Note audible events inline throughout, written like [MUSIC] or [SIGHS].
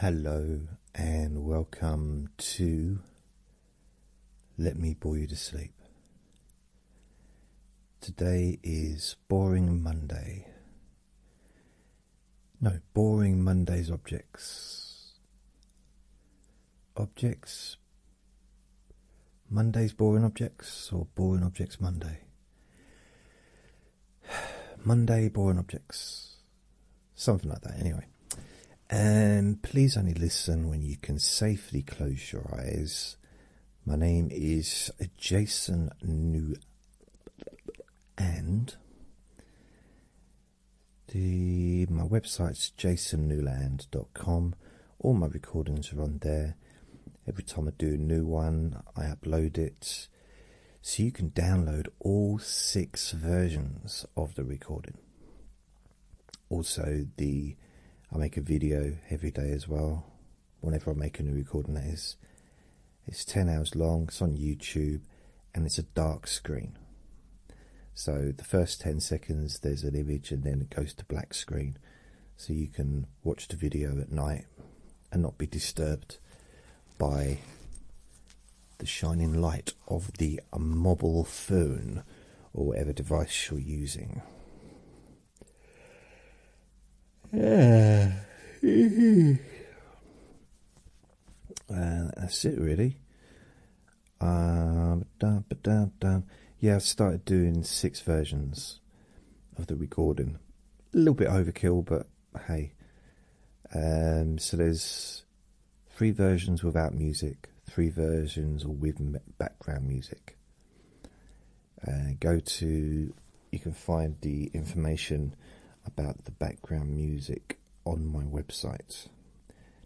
Hello and welcome to Let Me Bore You to Sleep. Today is Boring Monday. No, Boring Monday's objects. Objects. Monday's Boring Objects or Boring Objects Monday. [SIGHS] Monday Boring Objects, something like that, anyway. And um, please only listen when you can safely close your eyes. My name is Jason New, and the my website's jasonnewland.com. All my recordings are on there. Every time I do a new one, I upload it so you can download all six versions of the recording. Also, the I make a video every day as well. Whenever I make a new recording, that is, it's ten hours long. It's on YouTube, and it's a dark screen. So the first ten seconds, there's an image, and then it goes to black screen, so you can watch the video at night and not be disturbed by the shining light of the mobile phone or whatever device you're using. Yeah. [SIGHS] that's it, really. Um, yeah, I've started doing six versions of the recording. A little bit overkill, but hey. Um, so there's three versions without music, three versions with background music. Uh, go to, you can find the information about the background music on my website.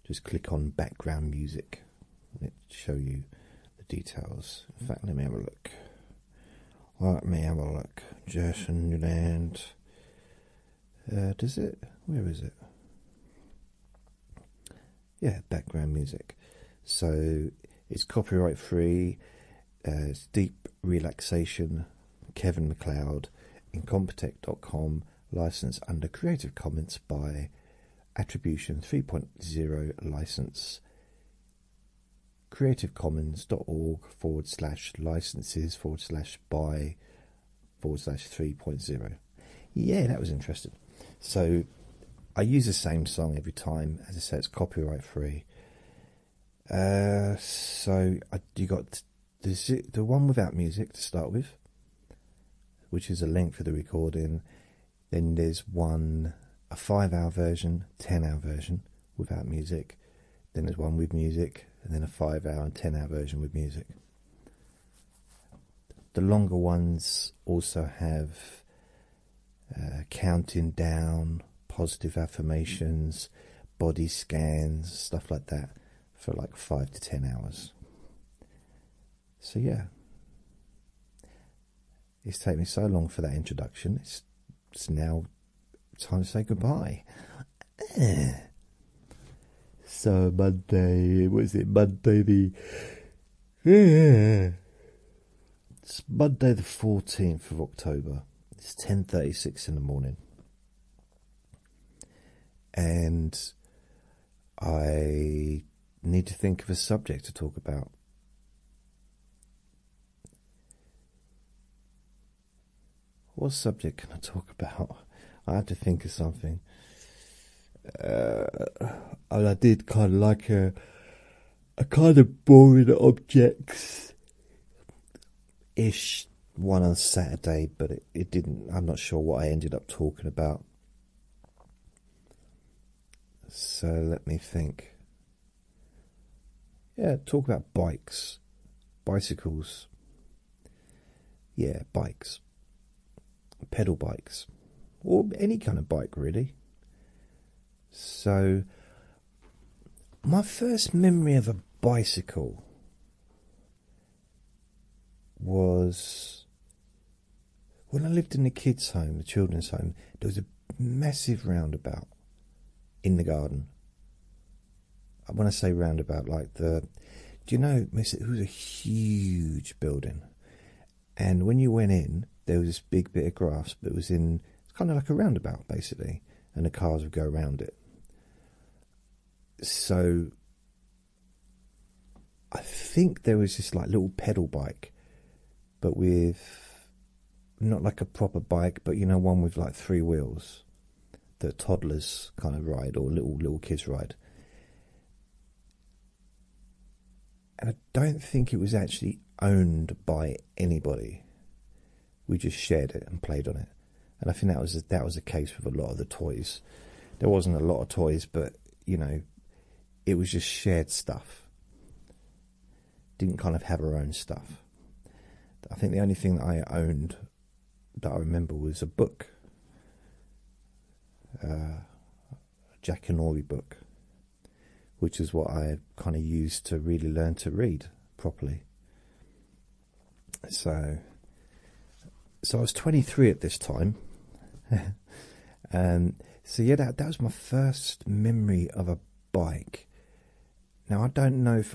Just click on background music and it'll show you the details. In fact, let me have a look. Let me have a look. Jason Land. Uh, does it? Where is it? Yeah, background music. So it's copyright free. Uh, it's Deep Relaxation, Kevin McLeod, Incompetech.com, license under Creative Commons by Attribution 3.0 license. Creativecommons.org forward slash licenses forward slash buy forward slash 3.0. Yeah, that was interesting. So I use the same song every time. As I say, it's copyright free. Uh, so I, you got the, the one without music to start with, which is a length for the recording. Then there's one, a five hour version, 10 hour version without music, then there's one with music, and then a five hour and ten hour version with music. The longer ones also have uh, counting down, positive affirmations, body scans, stuff like that for like five to ten hours. So, yeah, it's taken me so long for that introduction, it's, it's now time to say goodbye. Eh. So Monday, was it? Monday the eh. It's Monday the fourteenth of October. It's ten thirty-six in the morning, and I need to think of a subject to talk about. What subject can I talk about? I had to think of something. Uh, I did kind of like a, a kind of boring objects ish one on Saturday, but it didn't. I'm not sure what I ended up talking about. So let me think. Yeah, talk about bikes, bicycles, yeah, bikes, pedal bikes, or any kind of bike really. So, my first memory of a bicycle was when I lived in the kids' home, the children's home, there was a massive roundabout in the garden when I say roundabout, like the, do you know, it was a huge building, and when you went in, there was this big bit of grass, but was in it's kind of like a roundabout basically, and the cars would go around it. So, I think there was this like little pedal bike, but with not like a proper bike, but you know, one with like three wheels. The toddlers kind of ride or little little kids ride. And I don't think it was actually owned by anybody. We just shared it and played on it. And I think that was that was the case with a lot of the toys. There wasn't a lot of toys, but you know, it was just shared stuff. Didn't kind of have our own stuff. I think the only thing that I owned that I remember was a book, uh, a Jack and Ori book, which is what I kind of used to really learn to read properly. So, so I was 23 at this time. [LAUGHS] and so yeah, that that was my first memory of a bike. Now I don't know if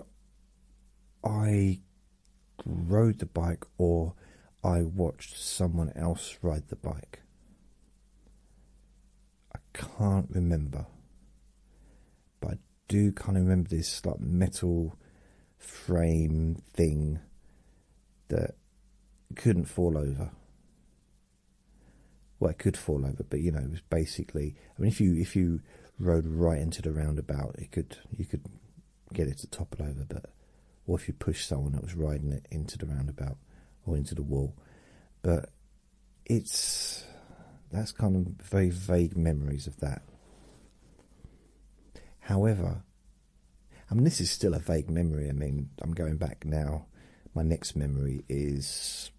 I rode the bike or I watched someone else ride the bike. I can't remember, but I do kind of remember this like metal frame thing that couldn't fall over. Well, it could fall over, but you know, it was basically. I mean, if you if you rode right into the roundabout, it could you could get it to topple over, but or if you push someone that was riding it into the roundabout or into the wall. But it's that's kind of very vague memories of that. However, I mean, this is still a vague memory. I mean, I'm going back now. My next memory is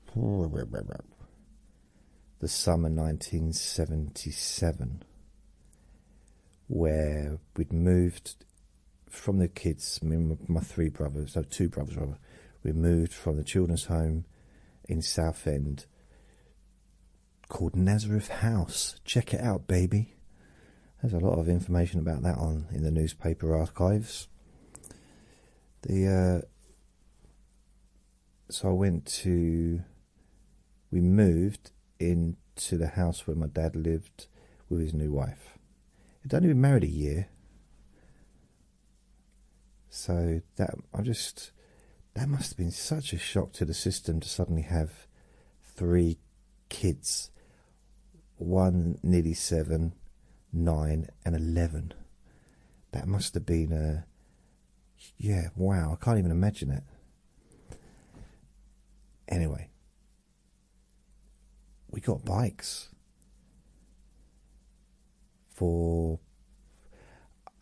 the summer 1977 where we'd moved from the kids, I mean, my three brothers, so two brothers we moved from the children's home in Southend called Nazareth House. Check it out, baby. There's a lot of information about that on in the newspaper archives. The uh, so I went to we moved into the house where my dad lived with his new wife. He'd only been married a year. So that I just that must have been such a shock to the system to suddenly have three kids. One nearly seven, nine and eleven. That must have been a yeah, wow, I can't even imagine it. Anyway, we got bikes for.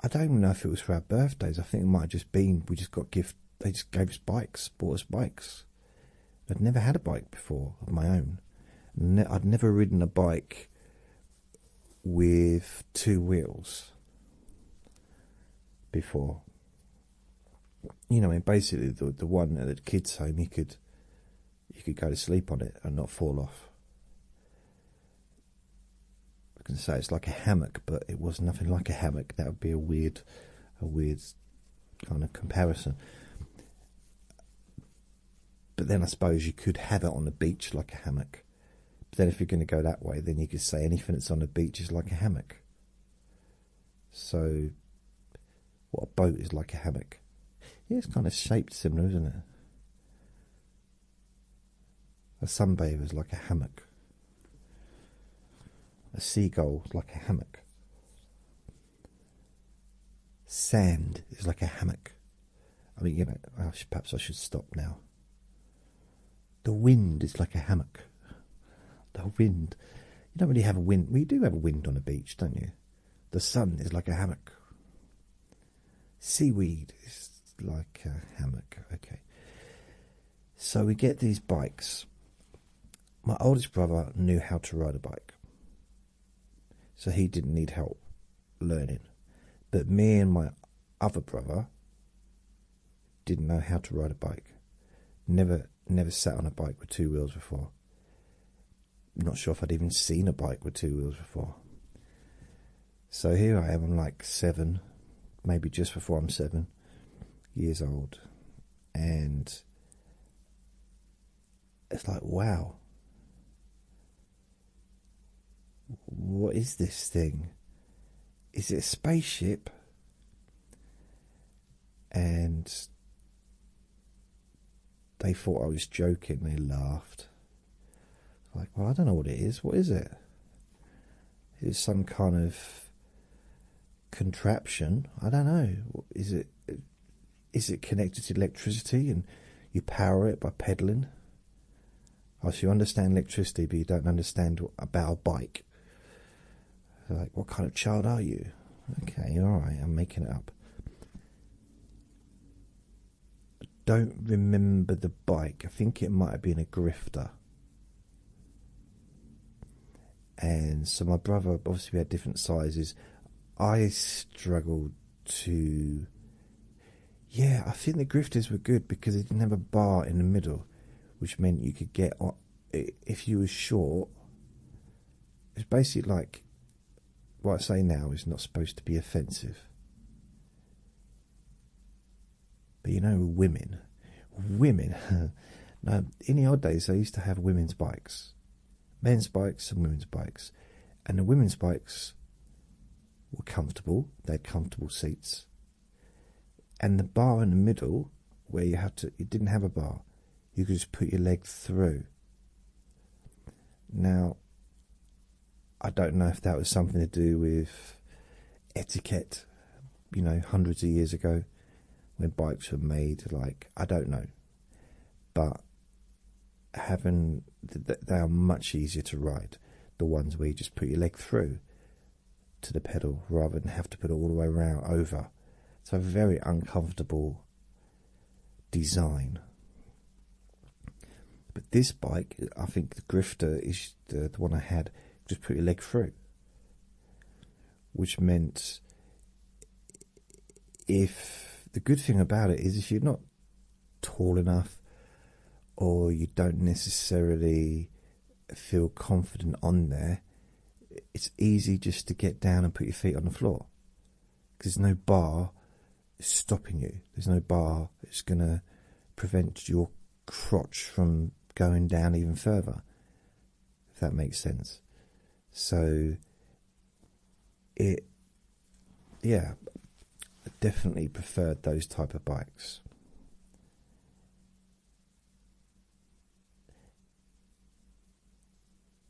I don't even know if it was for our birthdays. I think it might have just been we just got gift. They just gave us bikes, bought us bikes. I'd never had a bike before of my own. I'd never ridden a bike with two wheels before. You know, I basically the the one at the kids' home, you could you could go to sleep on it and not fall off. I can say it's like a hammock, but it was nothing like a hammock. That would be a weird, a weird kind of comparison. But then I suppose you could have it on the beach like a hammock then, if you're going to go that way, then you could say anything that's on the beach is like a hammock. So, what a boat is like a hammock. it's kind of shaped similar, isn't it? A sunbather is like a hammock. A seagull is like a hammock. Sand is like a hammock. I mean, you know, perhaps I should stop now. The wind is like a hammock. The wind. You don't really have a wind. We do have a wind on a beach, don't you? The sun is like a hammock. Seaweed is like a hammock. Okay. So we get these bikes. My oldest brother knew how to ride a bike. So he didn't need help learning. But me and my other brother didn't know how to ride a bike. Never never sat on a bike with two wheels before. Not sure if I'd even seen a bike with two wheels before. So here I am, I'm like seven, maybe just before I'm seven years old, and it's like, wow, what is this thing? Is it a spaceship? and they thought I was joking, they laughed. Like, well, I don't know what it is. What is it? It some kind of contraption. I don't know. Is it? Is it connected to electricity and you power it by pedaling? Oh, so you understand electricity, but you don't understand about a bike. like, what kind of child are you? Okay, alright, I'm making it up. don't remember the bike. I think it might have been a grifter. And so my brother, obviously we had different sizes. I struggled to... Yeah, I think the grifters were good because they didn't have a bar in the middle which meant you could get on if you were short. It's basically like what I say now is not supposed to be offensive, but you know, women, women. [LAUGHS] now, in the old days, they used to have women's bikes, men's bikes, and women's bikes, and the women's bikes were comfortable. They had comfortable seats and the bar in the middle where you had to it didn't have a bar you could just put your leg through now i don't know if that was something to do with etiquette you know hundreds of years ago when bikes were made like i don't know but having they are much easier to ride the ones where you just put your leg through to the pedal rather than have to put it all the way around over. It's a very uncomfortable design. But this bike, I think the Grifter is the, the one I had, just put your leg through. Which meant if the good thing about it is if you're not tall enough or you don't necessarily feel confident on there, it's easy just to get down and put your feet on the floor because there's no bar stopping you. There's no bar that's going to prevent your crotch from going down even further, if that makes sense. So, it, yeah, definitely preferred those type of bikes.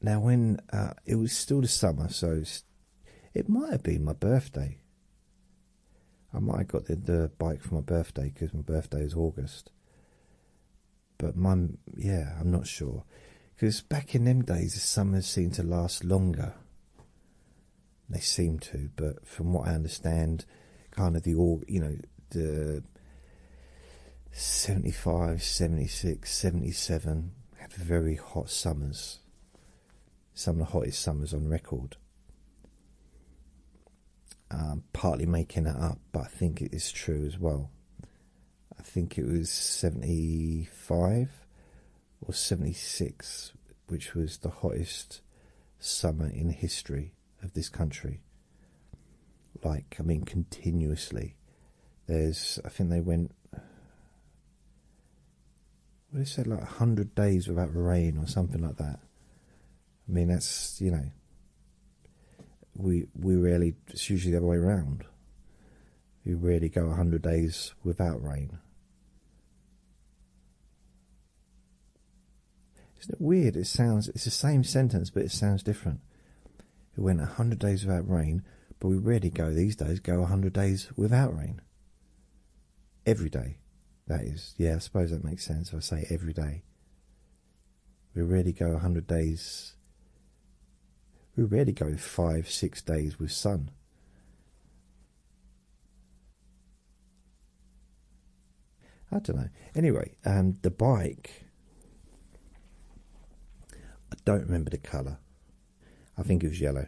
Now, when uh, it was still the summer, so it might have been my birthday. I might have got the, bike for my birthday because my birthday is August. But my yeah, I'm not sure because back in them days, the summer seemed to last longer. They seem to, but from what I understand, kind of the org, you know, the 75, 76, 77 had very hot summers, some of the hottest summers on record. Um, partly making it up, but I think it is true as well. I think it was 75 or 76, which was the hottest summer in history of this country. Like, I mean, continuously. There's, I think they went, what they said, like 100 days without rain or something like that. I mean, that's, you know, we we rarely, it's usually the other way around. We rarely go 100 days without rain. Isn't it weird? It sounds it's the same sentence, but it sounds different. It went a hundred days without rain, but we rarely go these days. Go a hundred days without rain. Every day, that is. Yeah, I suppose that makes sense. If I say every day. We rarely go a hundred days. We rarely go five, six days with sun. I don't know. Anyway, um, the bike. I don't remember the colour. I think it was yellow.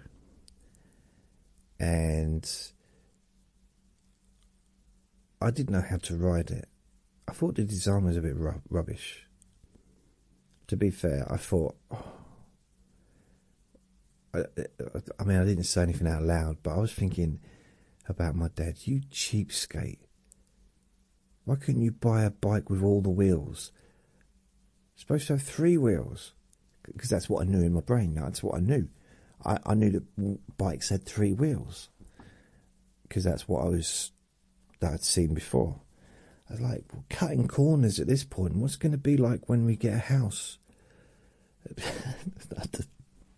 And I didn't know how to ride it. I thought the design was a bit rubbish. To be fair, I thought. Oh, I, I mean, I didn't say anything out loud, but I was thinking about my dad. You cheapskate! Why couldn't you buy a bike with all the wheels? It's supposed to have three wheels, because that's what I knew in my brain. That's what I knew. I, knew that bikes had three wheels, because that's what I was that I'd seen before. I was like cutting corners at this point. What's going to be like when we get a house? [LAUGHS]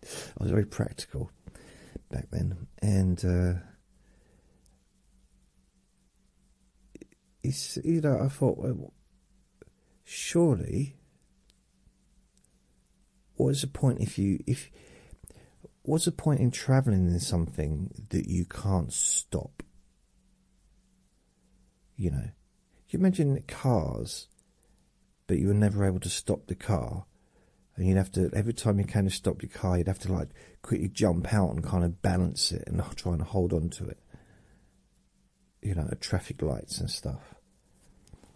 I was very practical back then, and uh, you know I thought, well, surely, what's the point if you if what's the point in traveling in something that you can't stop? You know, you imagine cars but you were never able to stop the car. And you'd have to, every time you kind of stop your car, you'd have to like quickly jump out and kind of balance it and try and hold on to it. You know, traffic lights and stuff.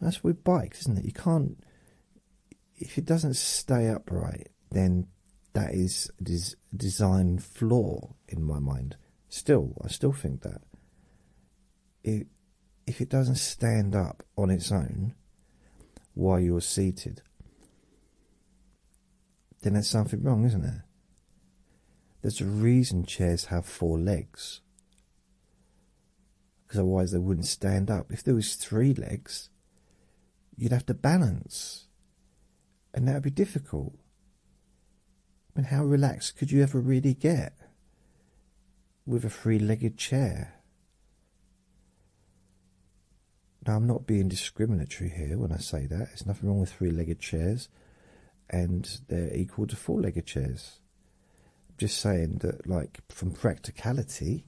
That's with bikes, isn't it? You can't, if it doesn't stay upright, then that is des design flaw in my mind. Still, I still think that. It, if it doesn't stand up on its own while you're seated, then there's something wrong, isn't there? There's a reason chairs have four legs. Because otherwise they wouldn't stand up. If there was three legs, you'd have to balance. And that would be difficult. I mean, how relaxed could you ever really get? with a three-legged chair. Now, I'm not being discriminatory here when I say that. There's nothing wrong with three-legged chairs, and they're equal to four-legged chairs. I'm just saying that, like, from practicality,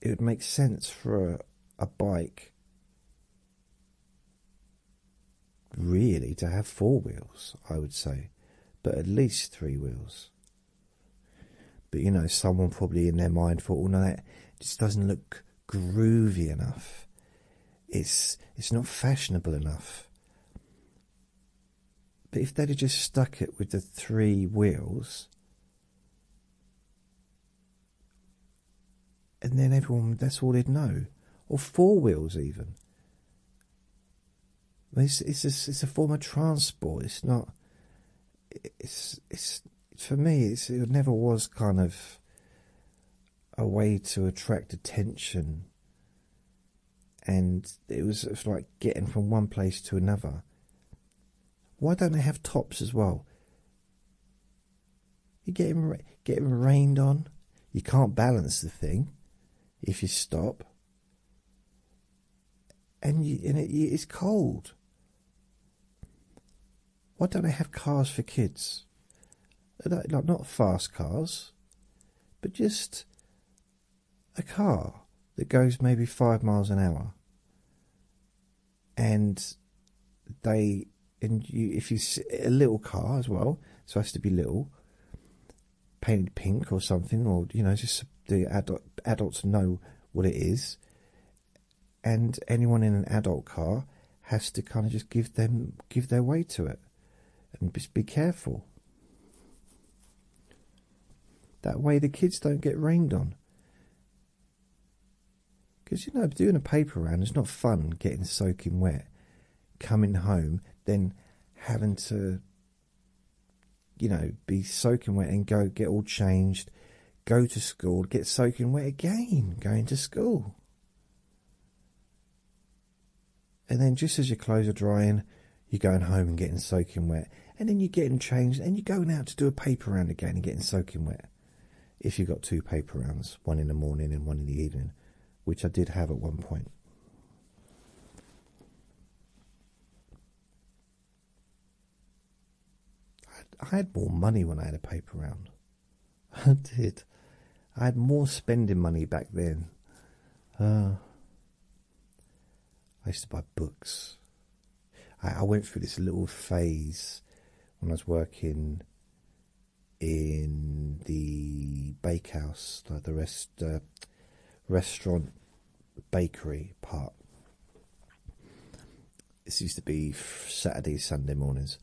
it would make sense for a bike really to have four wheels, I would say, but at least three wheels. But you know, someone probably in their mind thought, "Oh no, that just doesn't look groovy enough. It's it's not fashionable enough." But if they'd have just stuck it with the three wheels, and then everyone—that's all they'd know, or four wheels even. It's it's a, form of transport. It's not. It's it's for me. it never was kind of a way to attract attention. And it was, it was like getting from one place to another. Why don't they have tops as well? You get him, get him rained on. You can't balance the thing if you stop and, it's cold. Why don't they have cars for kids? Like, not fast cars, but just a car that goes maybe five miles an hour. And they, and you, if you a little car as well, so it has to be little painted pink or something, or you know, just the adults know what it is, and anyone in an adult car has to kind of just give them give their way to it, and just be careful. That way, the kids don't get rained on. Because you know, doing a paper round is not fun. Getting soaking wet, coming home, then having to you know, be soaking wet and go get all changed, go to school, get soaking wet again, going to school. And then just as your clothes are drying, you're going home and getting soaking wet. And then you're getting changed and you're going out to do a paper round again and getting soaking wet. If you've got two paper rounds, one in the morning and one in the evening, which I did have at one point. I had more money when I had a paper round. [LAUGHS] I did. I had more spending money back then. Uh, I used to buy books. I, went through this little phase when I was working in the bakehouse, like the rest uh, restaurant bakery part. This used to be Saturday, Sunday mornings,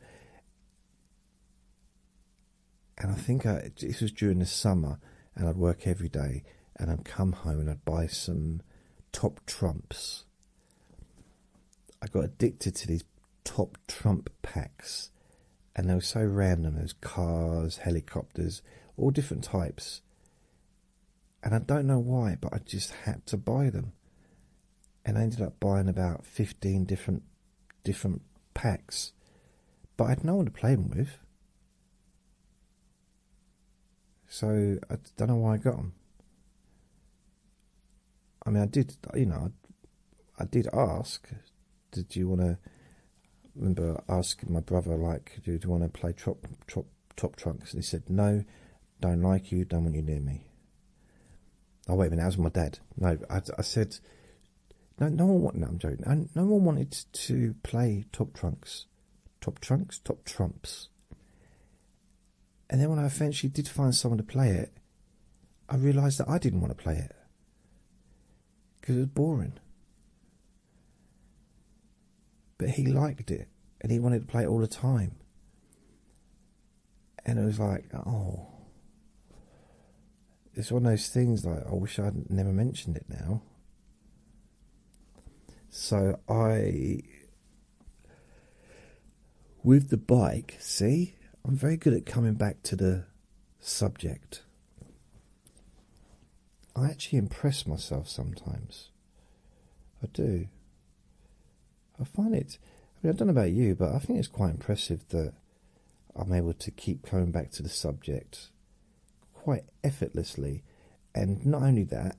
and I think I, this was during the summer, and I'd work every day, and I'd come home and I'd buy some top trumps. I got addicted to these top trump packs, and they were so random. Those cars, helicopters, all different types, and I don't know why, but I just had to buy them, and I ended up buying about fifteen different different packs, but I had no one to play them with, so I don't know why I got them. I mean, I did, you know, I, I did ask, did you want to I remember asking my brother, like, do you want to play Top, top, top Trunks? And he said, no, don't like you, don't want you near me. Oh, wait a minute, that was my dad. No, I, said, no, no one, no, I'm joking. no one wanted to play Top Trunks. Top Trunks? Top Trumps. And then when I eventually did find someone to play it, I realised that I didn't want to play it. Because it was boring. But he liked it and he wanted to play it all the time. And it was like, oh, it's one of those things like, I wish I'd never mentioned it now. So I, with the bike, see, I'm very good at coming back to the subject. I actually impress myself sometimes. I do. I find it. I mean, I don't know about you, but I think it's quite impressive that I'm able to keep coming back to the subject quite effortlessly. And not only that,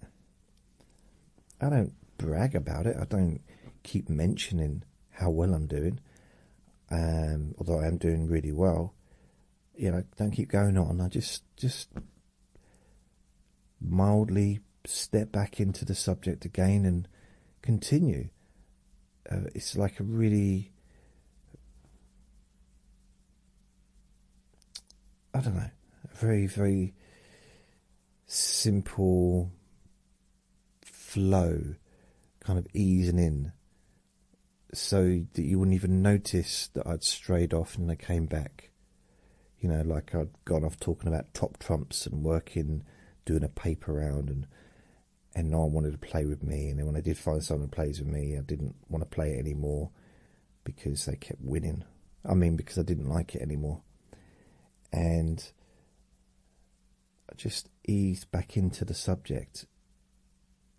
I don't brag about it. I don't keep mentioning how well I'm doing. Um, although I am doing really well, you know, don't keep going on. I just, just mildly step back into the subject again and continue. Uh, it's like a really, I don't know, very, very simple flow, kind of easing in so that you wouldn't even notice that I'd strayed off and I came back. You know, like I'd gone off talking about top trumps and working, doing a paper round, and and no one wanted to play with me. And then when I did find someone who plays with me, I didn't want to play anymore because they kept winning. I mean, because I didn't like it anymore. And I just eased back into the subject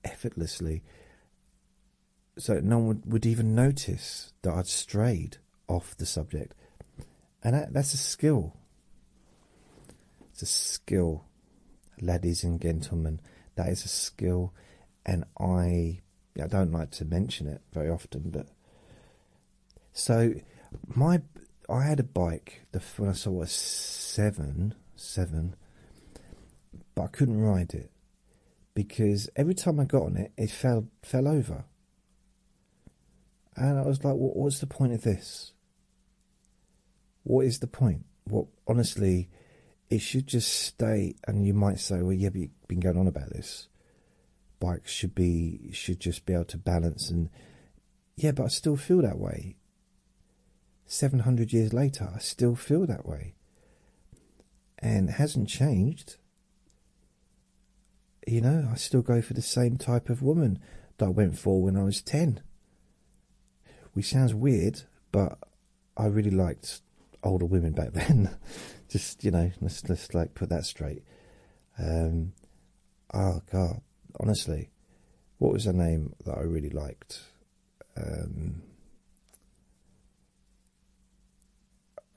effortlessly so no one would, even notice that I'd strayed off the subject, and that's a skill. It's a skill, ladies and gentlemen. That is a skill, and I I don't like to mention it very often, but so my I had a bike the when I saw was seven seven, but I couldn't ride it because every time I got on it, it fell fell over, and I was like, "What's the point of this? What is the point? What honestly, it should just stay." And you might say, "Well, yeah, but you've been going on about this. Bikes should be should just be able to balance." And yeah, but I still feel that way. Seven hundred years later, I still feel that way and hasn't changed. You know, I still go for the same type of woman that I went for when I was 10. Which sounds weird, but I really liked older women back [LAUGHS] then. Just, you know, let's, let's like put that straight. Um, oh, God, honestly, what was the name that I really liked? Um,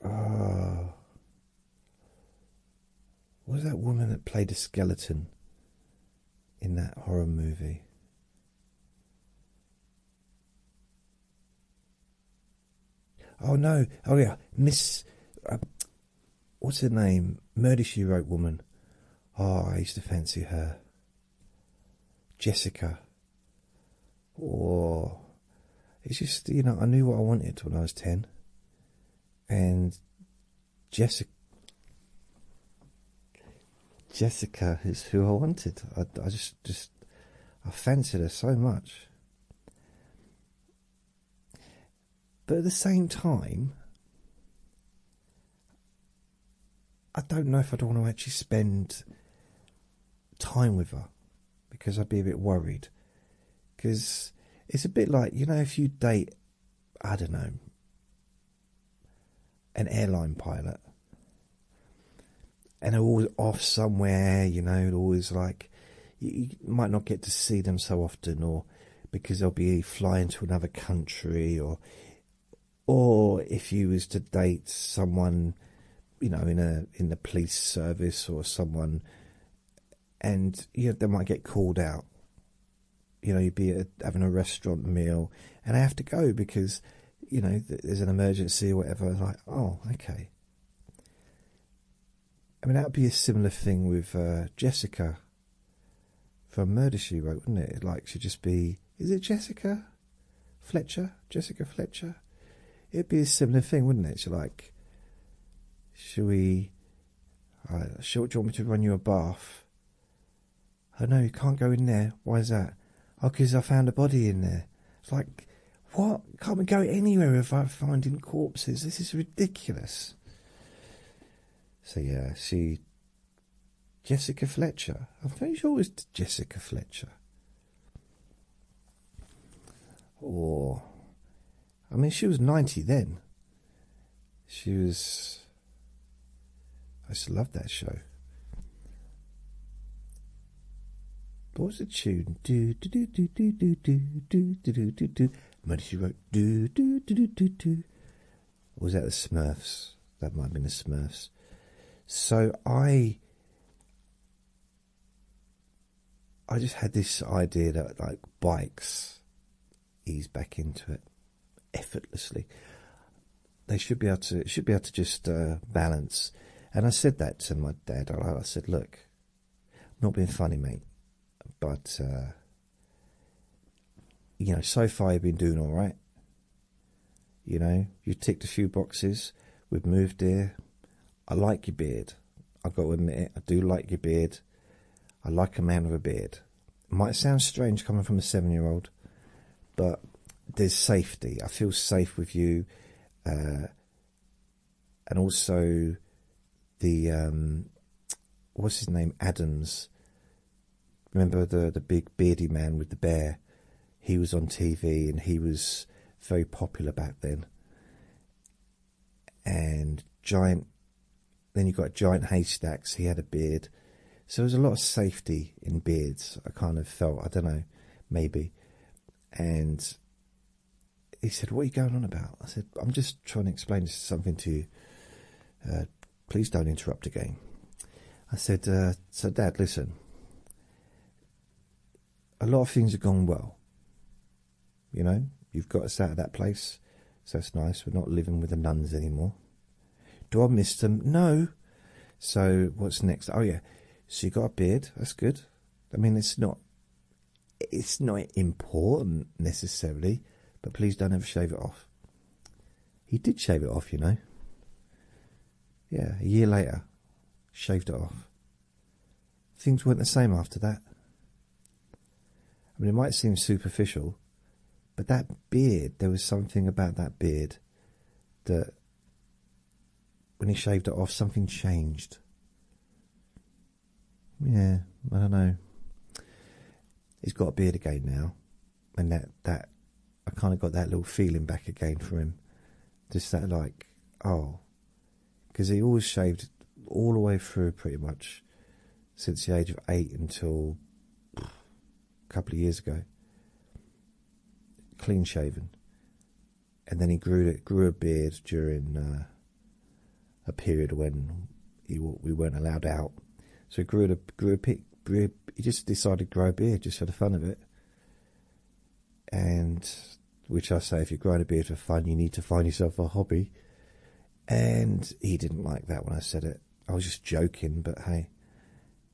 uh, was that woman that played a skeleton in that horror movie? Oh no! Oh yeah, Miss. Uh, what's her name? Murder She Wrote woman. Oh, I used to fancy her. Jessica or it's just you know I knew what I wanted when I was ten, and Jessica Jessica is who I wanted. I, I just just I fancied her so much, but at the same time. I don't know if I'd want to actually spend time with her because I'd be a bit worried. Because it's a bit like, you know, if you date, I don't know, an airline pilot and they're always off somewhere, you know, always like you, might not get to see them so often or because they'll be flying to another country or or if you was to date someone you know, in a in the police service or someone, and you know, they might get called out. You know, you'd be having a restaurant meal, and I have to go because, you know, there's an emergency or whatever. Like, oh, okay. I mean, that'd be a similar thing with uh, Jessica. From Murder She Wrote, wouldn't it? Like she'd just be, is it Jessica? Fletcher, Jessica Fletcher. It'd be a similar thing, wouldn't it? She like, should we? Uh, should, you want me to run you a bath? Oh no, you can't go in there. Why is that? Oh, because I found a body in there. It's like, what? Can't we go anywhere without finding corpses? This is ridiculous. So yeah, she. Jessica Fletcher. I'm pretty sure it Jessica Fletcher. Or, I mean, she was 90 then. She was. I just loved that show. What was the tune? Do do do do do do do do do do do do. Maybe she wrote do do do do do do. Or was that the Smurfs? That might have been the Smurfs. So I, I just had this idea that like bikes ease back into it effortlessly. They should be able to should be able to just uh, balance. And I said that to my dad. I, said, "Look, not being funny, mate, but uh, you know, so far you've been doing all right. You know, you ticked a few boxes. We've moved here. I like your beard. I got to admit it. I do like your beard. I like a man with a beard. It might sound strange coming from a seven-year-old, but there's safety. I feel safe with you, uh, and also the um, what's his name Adams. Remember the the big bearded man with the bear he was on TV and he was very popular back then. And giant, then you got giant haystacks. He had a beard, so there was a lot of safety in beards. I kind of felt I don't know, maybe. And he said, "What are you going on about?" I said, "I'm just trying to explain something to you. Uh, please don't interrupt again." I said, uh, "So, Dad, listen." a lot of things have gone well. You know, you've got us out of that place, so it's nice. We're not living with the nuns anymore. Do I miss them? No. So what's next? Oh yeah, so you got a beard. That's good. I mean, it's not, it's not important necessarily, but please don't ever shave it off. He did shave it off, you know. Yeah, a year later, shaved it off. Things weren't the same after that. I mean, it might seem superficial, but that beard, there was something about that beard that when he shaved it off, something changed. Yeah, I don't know. He's got a beard again now, and that that I kind of got that little feeling back again for him. Just that, like, oh, because he always shaved all the way through pretty much since the age of eight until a couple of years ago. Clean shaven, and then he grew it grew a beard during uh, a period when he we weren't allowed out, so he grew a grew a bit. He just decided to grow a beard just for the fun of it and which I say, if you're growing a beard for fun, you need to find yourself a hobby. And he didn't like that when I said it. I was just joking, but hey,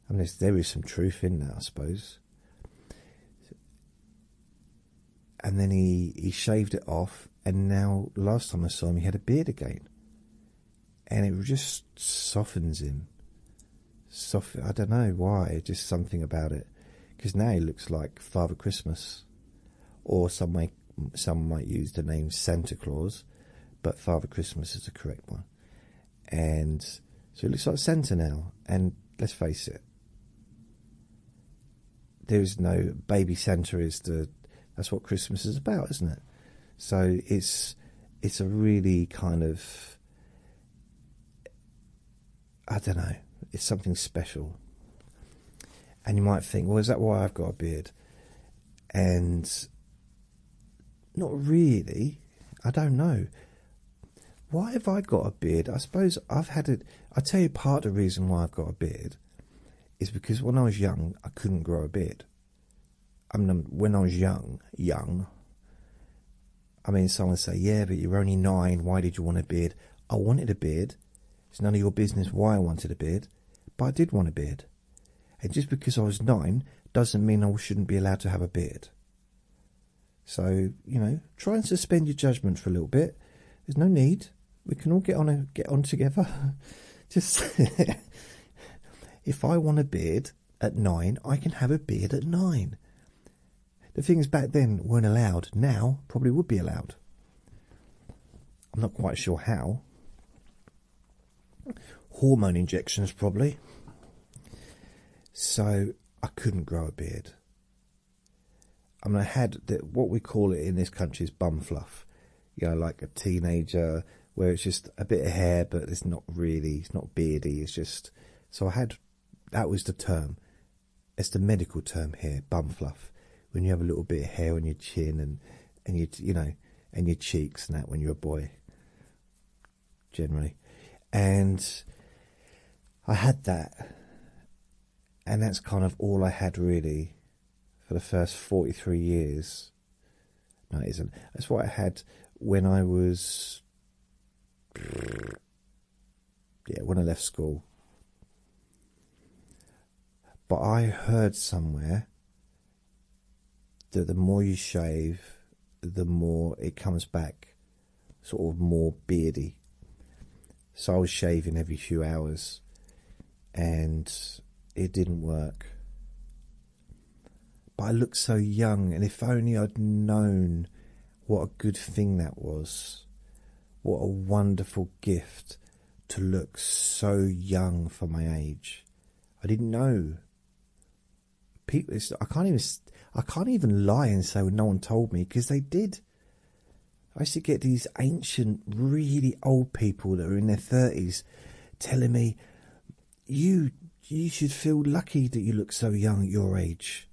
I mean, there is some truth in that, I suppose. And then he he shaved it off, and now last time I saw him, he had a beard again, and it just softens him. Soft, I don't know why. Just something about it because now he looks like Father Christmas, or some might some might use the name Santa Claus, but Father Christmas is the correct one, and so he looks like Santa now. And let's face it, there is no baby Santa is the that's what Christmas is about, isn't it? So it's it's a really kind of I don't know, it's something special. And you might think, well, is that why I've got a beard? And not really. I don't know. Why have I got a beard? I suppose I've had it. I tell you, part of the reason why I've got a beard is because when I was young, I couldn't grow a beard. I mean, when I was young, young, I mean, someone say, yeah, but you're only nine. Why did you want a beard? I wanted a beard. It's none of your business why I wanted a beard, but I did want a beard. And just because I was nine doesn't mean I shouldn't be allowed to have a beard. So, you know, try and suspend your judgment for a little bit. There's no need. We can all get on get on together. [LAUGHS] just [LAUGHS] if I want a beard at nine, I can have a beard at nine. The things back then weren't allowed, now probably would be allowed. I'm not quite sure how. Hormone injections, probably. So I couldn't grow a beard. I mean, I had what we call it in this country is bum fluff. You know, like a teenager where it's just a bit of hair, but it's not really, it's not beardy. It's just, so I had, that was the term, it's the medical term here, bum fluff. When you have a little bit of hair on your chin and and your you know and your cheeks and that when you're a boy, generally, and I had that, and that's kind of all I had really for the first forty three years. No, it isn't. That's what I had when I was yeah, when I left school. But I heard somewhere that the more you shave, the more it comes back sort of more beardy. So I was shaving every few hours and it didn't work. But I looked so young, and if only I'd known what a good thing that was. What a wonderful gift to look so young for my age. I didn't know. People, I can't even. I can't even lie and say no one told me because they did. I used to get these ancient, really old people that are in their thirties telling me, "You, you should feel lucky that you look so young at your age."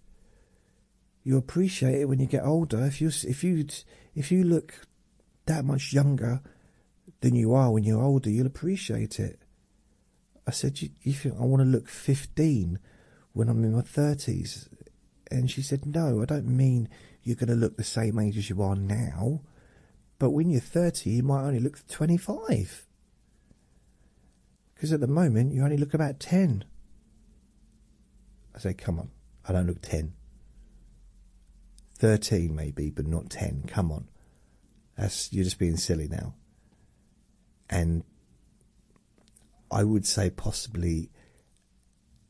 you appreciate it when you get older. If you if you if you look that much younger than you are when you're older, you'll appreciate it. I said, you, think I want to look 15 when I'm in my 30s? And she said, no, I don't mean you're going to look the same age as you are now. But when you're 30, you might only look 25. Because at the moment, you only look about 10. I say, come on, I don't look 10. 13 maybe, but not 10. Come on. That's, you're just being silly now. And I would say possibly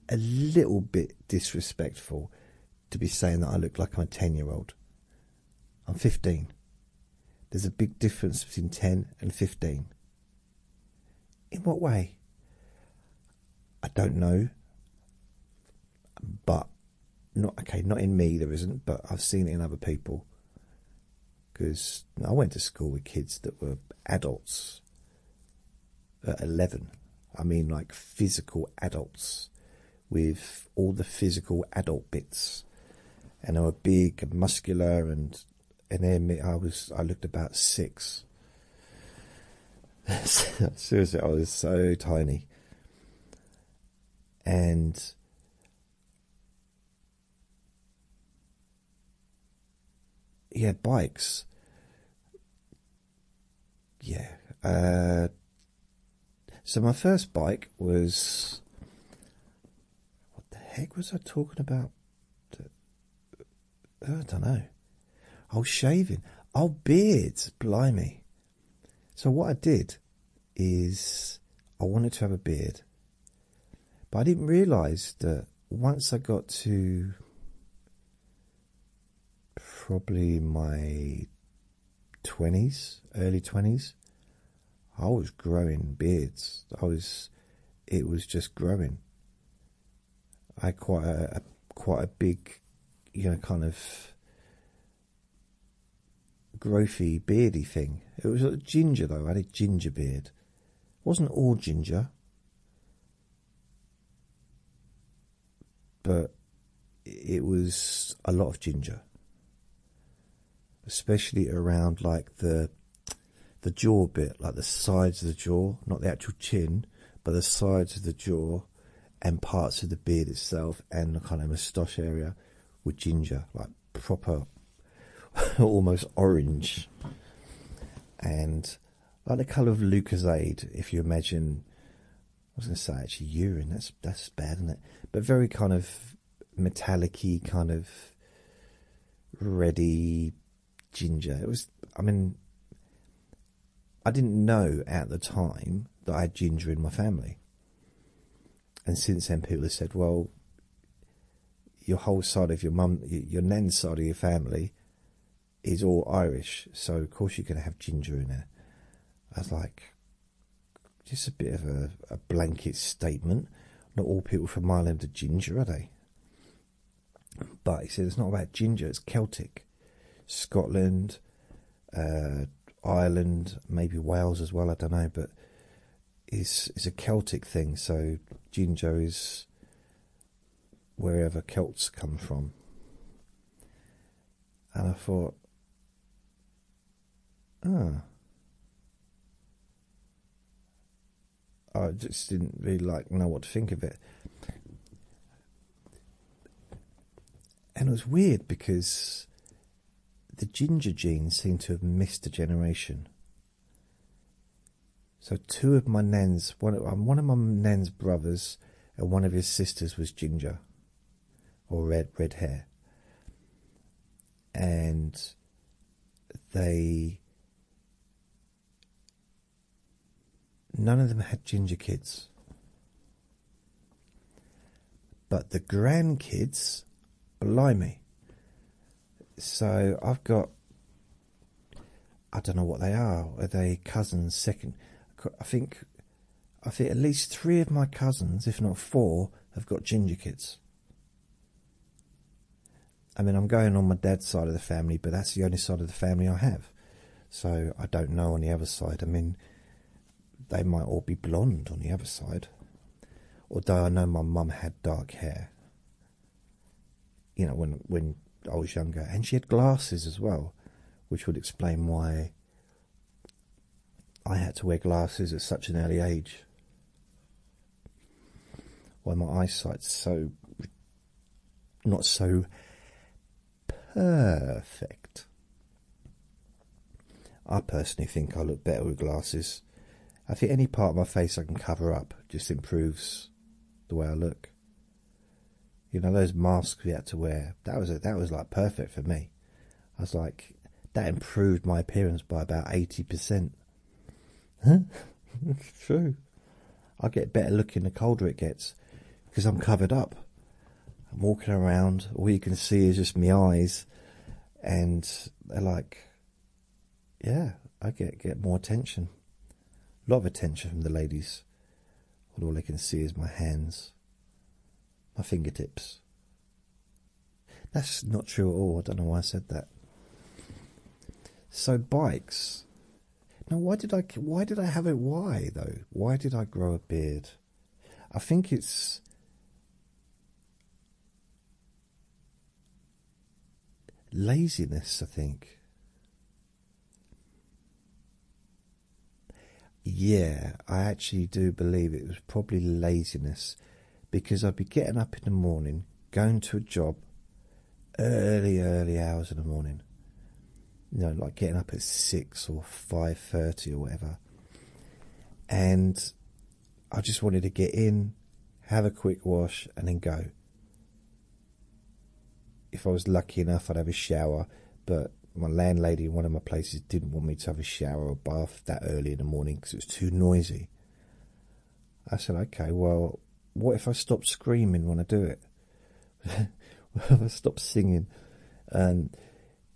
a little bit disrespectful to be saying that I look like I'm a 10 year old. I'm 15. There's a big difference between 10 and 15. In what way? I don't know. But not okay, not in me there isn't, but I've seen it in other people. Because I went to school with kids that were adults at 11. I mean, like physical adults with all the physical adult bits. And they were big and muscular and and then I was I looked about six. [LAUGHS] Seriously, I was so tiny, and yeah, bikes. Yeah. Uh, so my first bike was. What the heck was I talking about? Oh, I don't know, I was shaving, I oh, old beards, blimey. So what I did is I wanted to have a beard, but I didn't realise that once I got to probably my 20s, early 20s, I was growing beards. I was, it was just growing. I had quite a, quite a big, you know, kind of growthy, beardy thing. It was ginger though. I had a ginger beard. It wasn't all ginger, but it was a lot of ginger, especially around like the the jaw bit, like the sides of the jaw, not the actual chin, but the sides of the jaw and parts of the beard itself and the kind of moustache area with ginger, like proper, [LAUGHS] almost orange. And like the colour of Lucasade, if you imagine, I was going to say actually urine, that's, that's bad, is it? But very kind of metallic kind of reddy ginger. It was, I mean, I didn't know at the time that I had ginger in my family. And since then, people have said, well, your whole side of your mum, your nan's side of your family is all Irish, so of course you're going to have ginger in there." I was like, just a bit of a blanket statement. Not all people from Ireland are ginger, are they? But he said it's not about ginger, it's Celtic. Scotland, uh, Ireland, maybe Wales as well, I don't know, but it's, it's a Celtic thing, so ginger is wherever Celts come from. And I thought, ah, I just didn't really like know what to think of it. And it was weird because the ginger gene seemed to have missed a generation. So two of my nens, one of, um, one of my nens brothers and one of his sisters was ginger or red red hair. And they None of them had ginger kids. But the grandkids, blimey. So I've got, I don't know what they are. Are they cousins? Second, I think, I think at least three of my cousins, if not four, have got ginger kids. I mean, I'm going on my dad's side of the family, but that's the only side of the family I have. So I don't know on the other side. I mean, they might all be blonde on the other side. Although I know my mum had dark hair. You know, when when I was younger, and she had glasses as well, which would explain why I had to wear glasses at such an early age. Why my eyesight's so not so perfect. I personally think I look better with glasses. I think any part of my face I can cover up just improves the way I look. You know those masks we had to wear. That was that was like perfect for me. I was like, that improved my appearance by about eighty percent. [LAUGHS] true. I get better looking the colder it gets because I'm covered up. I'm walking around, all you can see is just my eyes, and they're like, yeah, I get get more attention, a lot of attention from the ladies. And all they can see is my hands, my fingertips. That's not true at all. I don't know why I said that. So bikes now, why did I? Why did I have it? why though? Why did I grow a beard? I think it's. Laziness, I think. Yeah, I actually do believe it was probably laziness because I'd be getting up in the morning, going to a job, early, early hours in the morning. You know, like getting up at six or five thirty or whatever. And I just wanted to get in, have a quick wash, and then go. If I was lucky enough, I'd have a shower, but my landlady in one of my places didn't want me to have a shower or bath that early in the morning because it was too noisy. I said, okay, well, what if I stop screaming when I do it? well, [LAUGHS] I stopped singing. Um,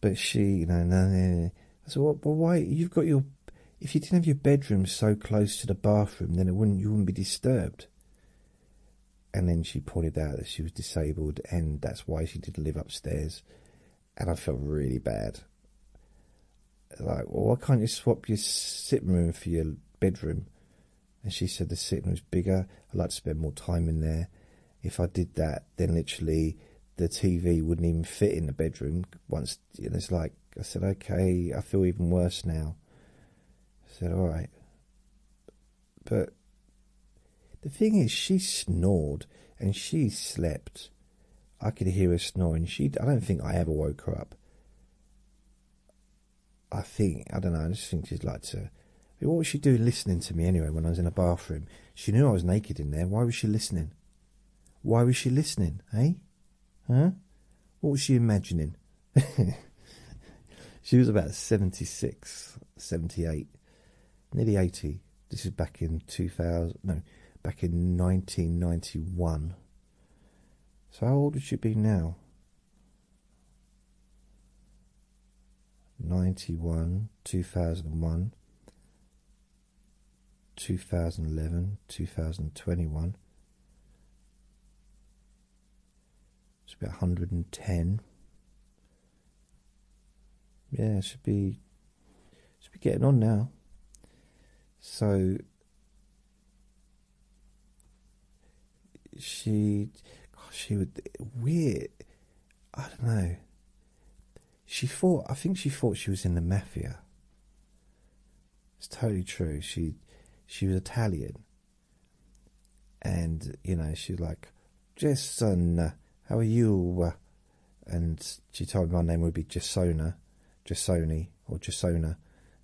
but she, you know, I said, well, why? You've got your. If you didn't have your bedroom so close to the bathroom, then it wouldn't. You wouldn't be disturbed. And then she pointed out that she was disabled, and that's why she didn't live upstairs. And I felt really bad. Like, well, why can't you swap your sitting room for your bedroom? and she said the sitting was bigger. I'd like to spend more time in there. If I did that, then literally the TV wouldn't even fit in the bedroom. Once and it's like I said, okay, I feel even worse now. I said, all right, but the thing is, she snored and she slept. I could hear her snoring. She, I don't think I ever woke her up. I think I don't know. I just think she'd like to. What was she doing listening to me anyway when I was in a bathroom? She knew I was naked in there. Why was she listening? Why was she listening? Eh? huh? What was she imagining? [LAUGHS] she was about 76, 78, nearly 80. This is back in 2000. No, back in 1991. So how old would she be now? ninety one, two thousand and one, two thousand and eleven, two thousand and twenty one. Should be a hundred and ten. Yeah, should be should be getting on now. So she, gosh, she would weird. I don't know. She thought. I think she thought she was in the mafia. It's totally true. She, she was Italian. And you know she was like, Jason, how are you? And she told me my name would be Jasona, Jasoni or Jasona,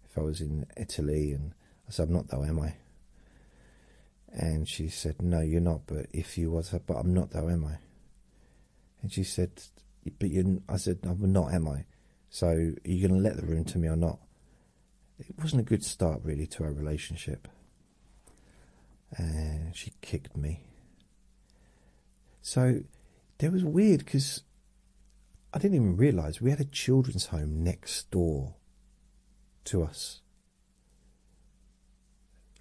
if I was in Italy. And I said, I'm not though, am I? And she said, No, you're not, but if you was, but I'm not, though, am I? And she said, But you, I said, I'm not, am I? So are you going to let the room to me or not? It wasn't a good start, really, to our relationship. And she kicked me. So there was weird because I didn't even realize we had a children's home next door to us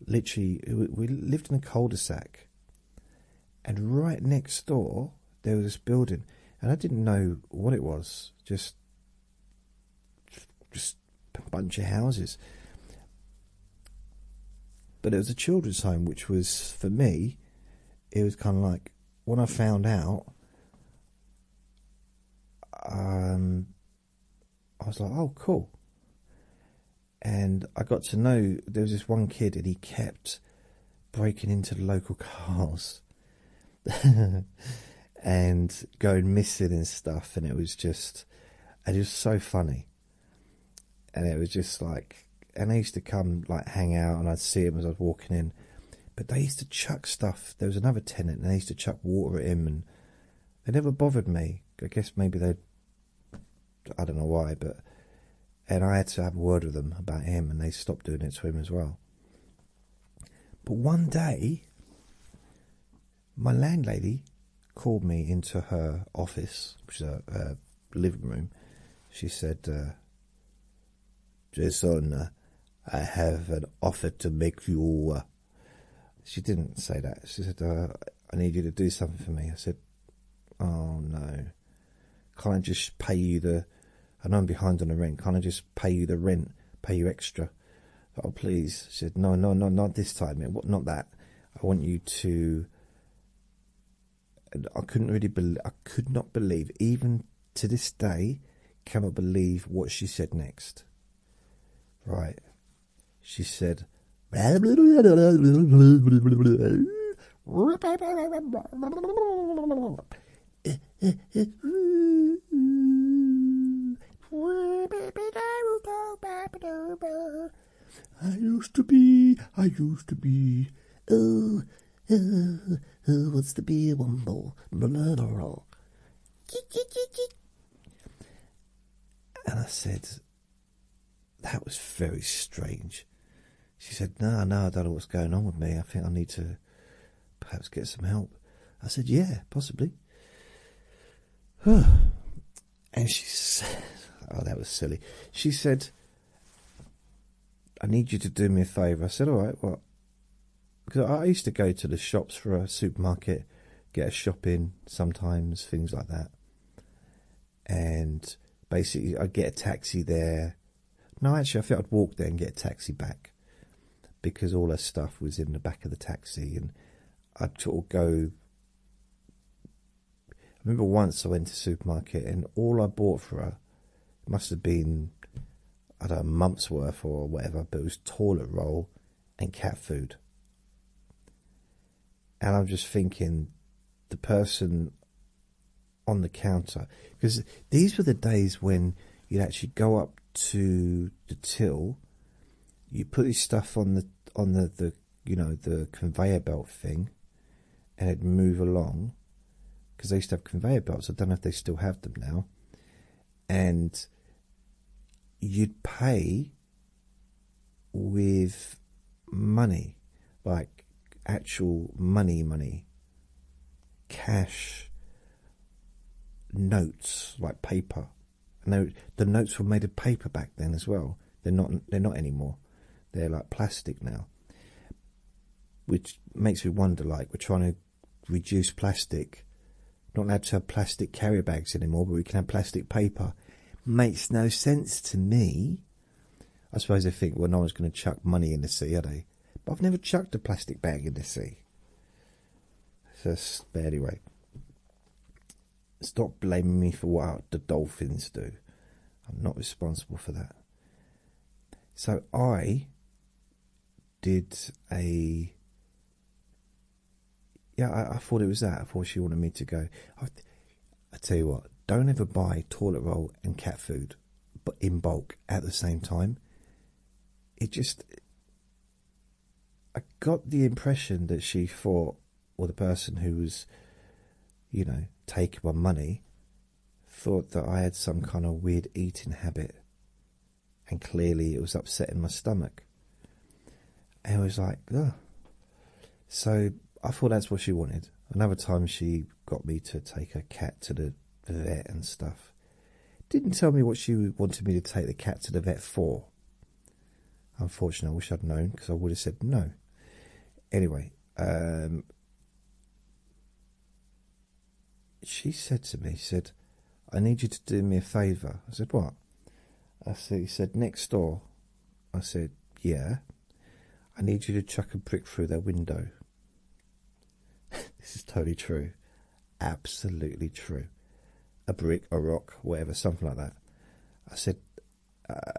Literally, we lived in a cul-de-sac, and right next door there was this building, and I didn't know what it was. Just, just a bunch of houses. But it was a children's home, which was for me. It was kind of like when I found out, um, I was like, oh, cool. And I got to know there was this one kid, and he kept breaking into the local [LAUGHS] cars [LAUGHS] and going missing and stuff. And it was just, and it was so funny. And it was just like, and I used to come like hang out, and I'd see him as I was walking in. But they used to chuck stuff there was another tenant and they used to chuck water at him and they never bothered me. I guess maybe they, I don't know why, but, and I had to have a word with them about him and they stopped doing it to him as well. But one day, my landlady called me into her office, which is a, living room. She said, uh, Jason, uh, I have an offer to make you. Uh, she didn't say that. She said, I need you to do something for me. I said, Oh no. Can't I just pay you the. I know I'm behind on the rent. Can't I just pay you the rent? Pay you extra? Oh, please. She said, No, no, no, not this time. It, not that. I want you to. I couldn't really believe. I could not believe, even to this day, cannot believe what she said next. Right. She said, I used to be, I used to be, oh, uh, oh, uh, uh, who wants to be a womble? And I said, That was very strange. She said, No, no, I don't know what's going on with me. I think I need to perhaps get some help. I said, Yeah, possibly. [SIGHS] and she said, [LAUGHS] Oh, that was silly. She said, I need you to do me a favour. I said, All right, what? Well, because I used to go to the shops for a supermarket, get a shopping sometimes, things like that. And basically, I'd get a taxi there. No, actually, I think I'd walk there and get a taxi back because all her stuff was in the back of the taxi. And I'd sort of go. I remember once I went to the supermarket and all I bought for her must have been, I don't know, a month's worth or whatever, but it was toilet roll and cat food. And I'm just thinking the person on the counter, because these were the days when you'd actually go up to the till, you put your stuff on the on the, the you know the conveyor belt thing, and it'd move along, because they used to have conveyor belts. I don't know if they still have them now and you'd pay with money, like actual money, money, cash notes, like paper. And the notes were made of paper back then as well. They're not. They're not anymore. They're like plastic now, which makes me wonder. Like we're trying to reduce plastic. Not allowed to have plastic carrier bags anymore, but we can have plastic paper. Makes no sense to me. I suppose they think, well, no one's going to chuck money in the sea, are they? But I've never chucked a plastic bag in the sea. So, but anyway, stop blaming me for what the dolphins do. I'm not responsible for that. So I did a yeah, I, thought it was that. I thought she wanted me to go. I, I tell you what, don't ever buy toilet roll and cat food, but in bulk at the same time. It just, I got the impression that she thought, or the person who was, you know, taking my money, thought that I had some kind of weird eating habit and clearly it was upsetting my stomach. And I was like, Ugh. so I thought that's what she wanted. Another time she got me to take a cat to the vet and stuff. Didn't tell me what she wanted me to take the cat to the vet for. Unfortunately, I wish I'd known because I would have said no. Anyway, um, she said to me, she said, I need you to do me a favour. I said, What? I said, He said, Next door. I said, Yeah. I need you to chuck a brick through their window. [LAUGHS] this is totally true. Absolutely true. A brick, a rock, whatever, something like that. I said,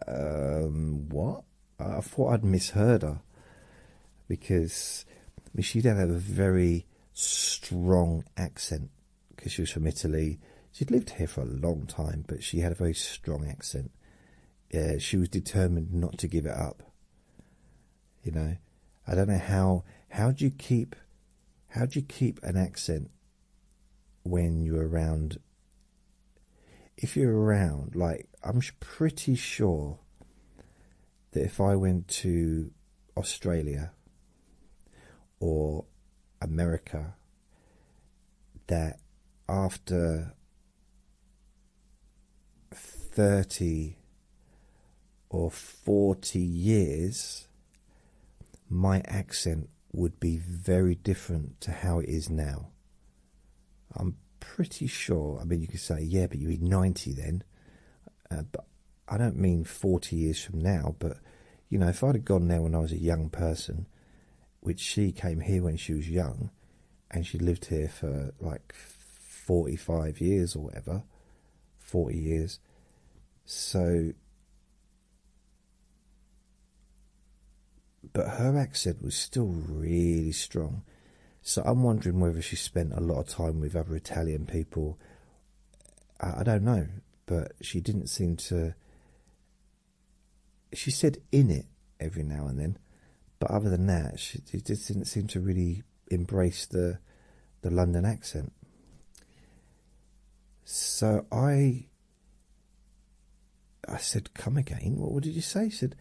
um, What? I thought I'd misheard her because she did have a very strong accent because she was from Italy. She'd lived here for a long time, but she had a very strong accent. she was determined not to give it up. You know, I don't know how how do you keep how do you keep an accent when you're around. If you're around, like I'm pretty sure that if I went to Australia or America that after 30 or 40 years, my accent would be very different to how it is now. I'm pretty sure, I mean, you could say, yeah, but you were 90 then, uh, but I don't mean 40 years from now, but you know, if I'd have gone there when I was a young person, which she came here when she was young and she lived here for like 45 years or whatever, 40 years. So, but her accent was still really strong. So I'm wondering whether she spent a lot of time with other Italian people. I, don't know but she didn't seem to. She said in it every now and then, but other than that, she, just didn't seem to really embrace the the London accent. So I I said, Come again, what, did you say? said,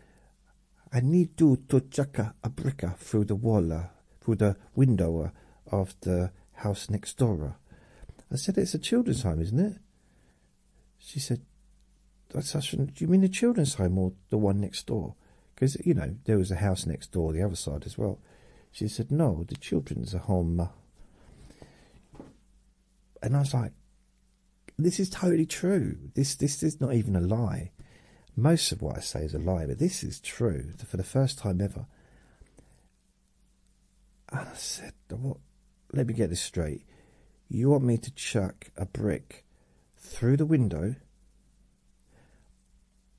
I need you to chuck a, a brick through the wall, uh, through the window uh, of the house next door. I said, It's a children's home, isn't it? She said, That's, I Do you mean the children's home or the one next door? Because, you know, there was a house next door, the other side as well. She said, No, the children's home. Uh. And I was like, This is totally true. This, this is not even a lie. Most of what I say is a lie, but this is true for the first time ever. I said, what? Let me get this straight. You want me to chuck a brick through the window,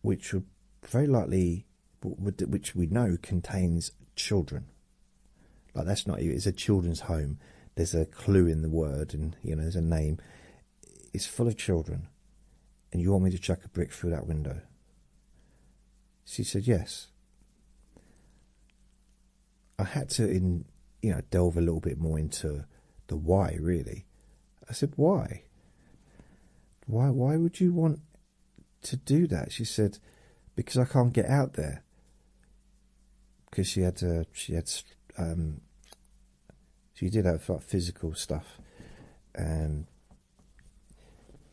which would very likely, which we know contains children. Like that's not it's a children's home. There's a clue in the word, and you know there's a name. It's full of children, and you want me to chuck a brick through that window? She said yes. I had to in you know delve a little bit more into the why really. I said why? Why why would you want to do that? She said because I can't get out there. Because she had to. Uh, she had um she did have like physical stuff and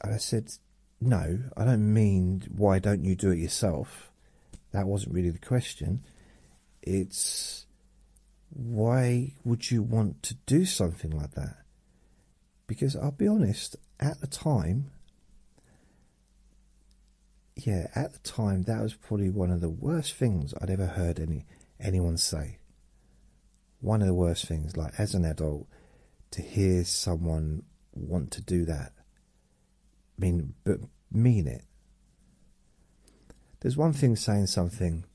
and I said, No, I don't mean why don't you do it yourself? That wasn't really the question. It's why would you want to do something like that? Because I'll be honest, at the time, yeah, at the time that was probably one of the worst things I'd ever heard any anyone say one of the worst things, like as an adult, to hear someone want to do that. I mean, but mean it. There's one thing saying something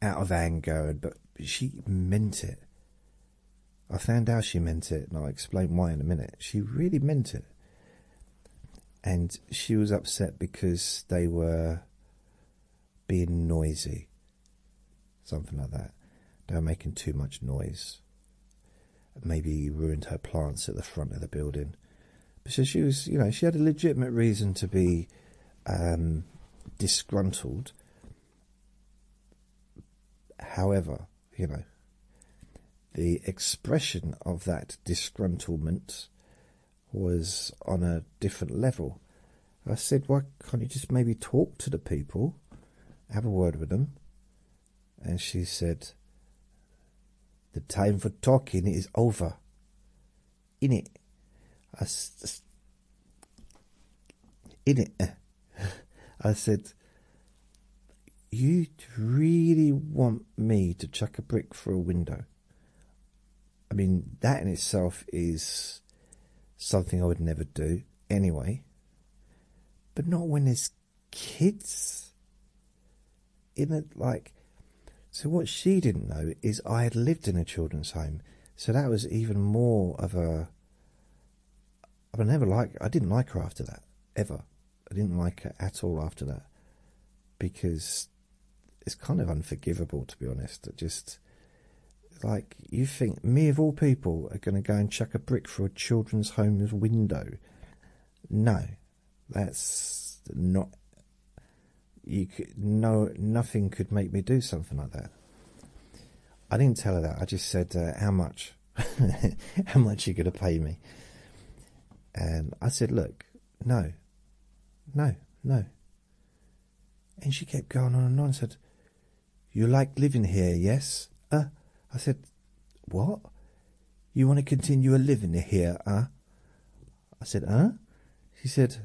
out of anger, but she meant it. I found out she meant it, and I'll explain why in a minute. She really meant it. And she was upset because they were being noisy, something like that. They were making too much noise. Maybe ruined her plants at the front of the building. But she was, you know, she had a legitimate reason to be um, disgruntled. However, you know, the expression of that disgruntlement was on a different level I said, why can't you just maybe talk to the people, have a word with them? And she said, the time for talking is over. In it. I, in it. [LAUGHS] I said, you really want me to chuck a brick through a window? I mean, that in itself is something I would never do anyway, but not when there's kids in it. Like, so what she didn't know is I had lived in a children's home, so that was even more of a. I never like. I didn't like her after that ever. I didn't like her at all after that because it's kind of unforgivable to be honest. That just like, you think me of all people are going to go and chuck a brick through a children's home's window? No, that's not. You could no, nothing could make me do something like that. I didn't tell her that. I just said, uh, "How much? [LAUGHS] How much you going to pay me?" And I said, "Look, no, no, no." And she kept going on and on. And said, you like living here, yes? Uh, I said, What? You want to continue a living here, uh? I said, Huh? She said,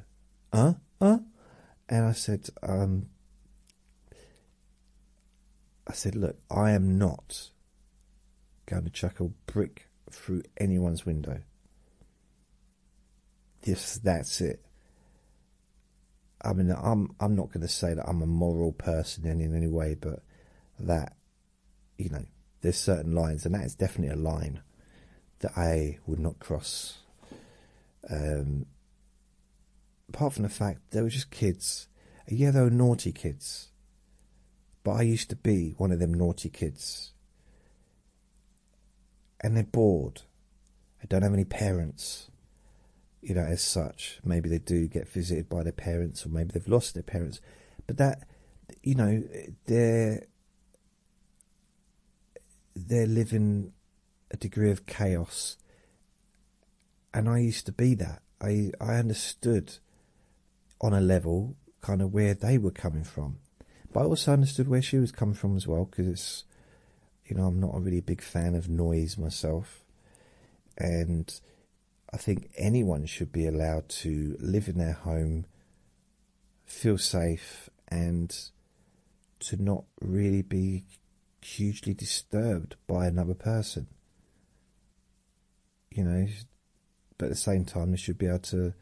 Huh? Huh? And I said, Um, I said, Look, I am not going to chuck a brick through anyone's window. Yes, that's it. I mean, I'm I'm not going to say that I'm a moral person in, in any way, but that you know, there's certain lines, and that is definitely a line that I would not cross. Um, apart from the fact they were just kids, yeah, they were naughty kids, but I used to be one of them naughty kids, and they're bored. I don't have any parents, you know, as such. Maybe they do get visited by their parents, or maybe they've lost their parents. But that, you know, they're they're living a degree of chaos, and I used to be that. I I understood on a level kind of where they were coming from, but I also understood where she was coming from as well because it's you know, I'm not a really big fan of noise myself, and I think anyone should be allowed to live in their home, feel safe, and to not really be hugely disturbed by another person. You know, but at the same time, they should be able to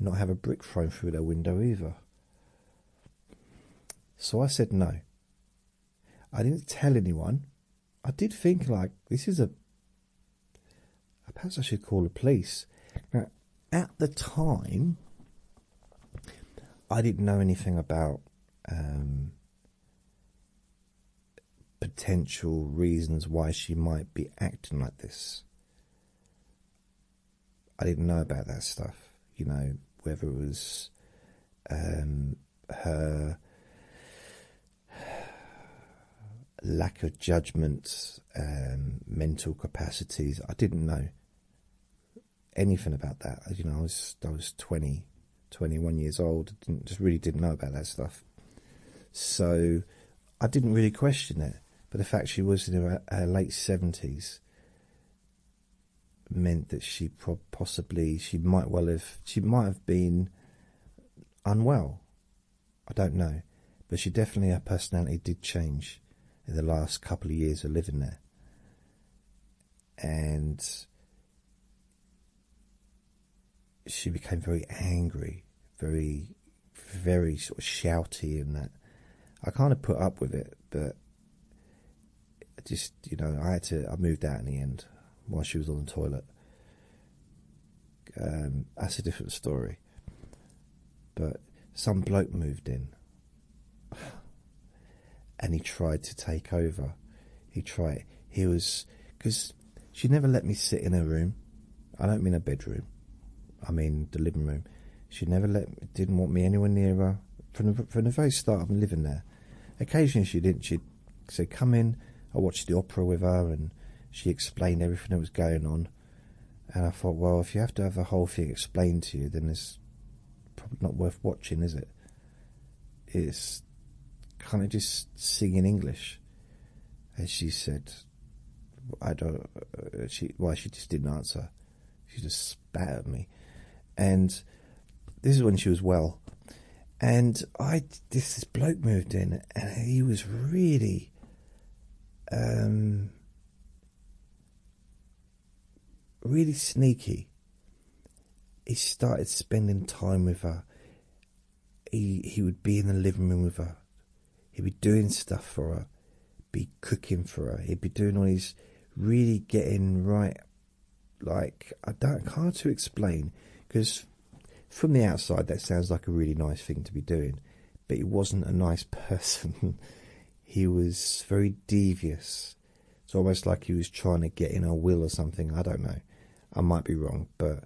not have a brick thrown through their window either. So I said no. I didn't tell anyone. I did think like this is a perhaps I should call the police. Now at the time I didn't know anything about um, potential reasons why she might be acting like this. I didn't know about that stuff, you know, whether it was um, her lack of judgment, mental capacities. I didn't know anything about that. You know, I was I 21 years old. did just really didn't know about that stuff. So I didn't really question it. But the fact she was in her late seventies meant that she possibly she might well have she might have been unwell. I don't know, but she definitely her personality did change in the last couple of years of living there, and she became very angry, very, very sort of shouty, In that I kind of put up with it, but just you know, I had to. I moved out in the end while she was on the toilet. Um, that's a different story. But some bloke moved in, and he tried to take over. He tried. He was because she never let me sit in her room. I don't mean her bedroom. I mean the living room. She never let, didn't want me anywhere near her. From the, from the very start, of living there. Occasionally she didn't. She'd say, "Come in." I watched the opera with her, and she explained everything that was going on. And I thought, well, if you have to have the whole thing explained to you, then it's probably not worth watching, is it? It's kind of just singing English. And she said, I don't. Uh, she well, she just didn't answer. She just Battered me. And this is when she was well. And I this, bloke moved in, and he was really um really sneaky. He started spending time with her. He he would be in the living room with her. He'd be doing stuff for her, be cooking for her. He'd be doing all these really getting right like I don't hard to explain because from the outside that sounds like a really nice thing to be doing, but he wasn't a nice [LAUGHS] person. he was very devious. It's almost like he was trying to get in our will or something. I don't know. I might be wrong, but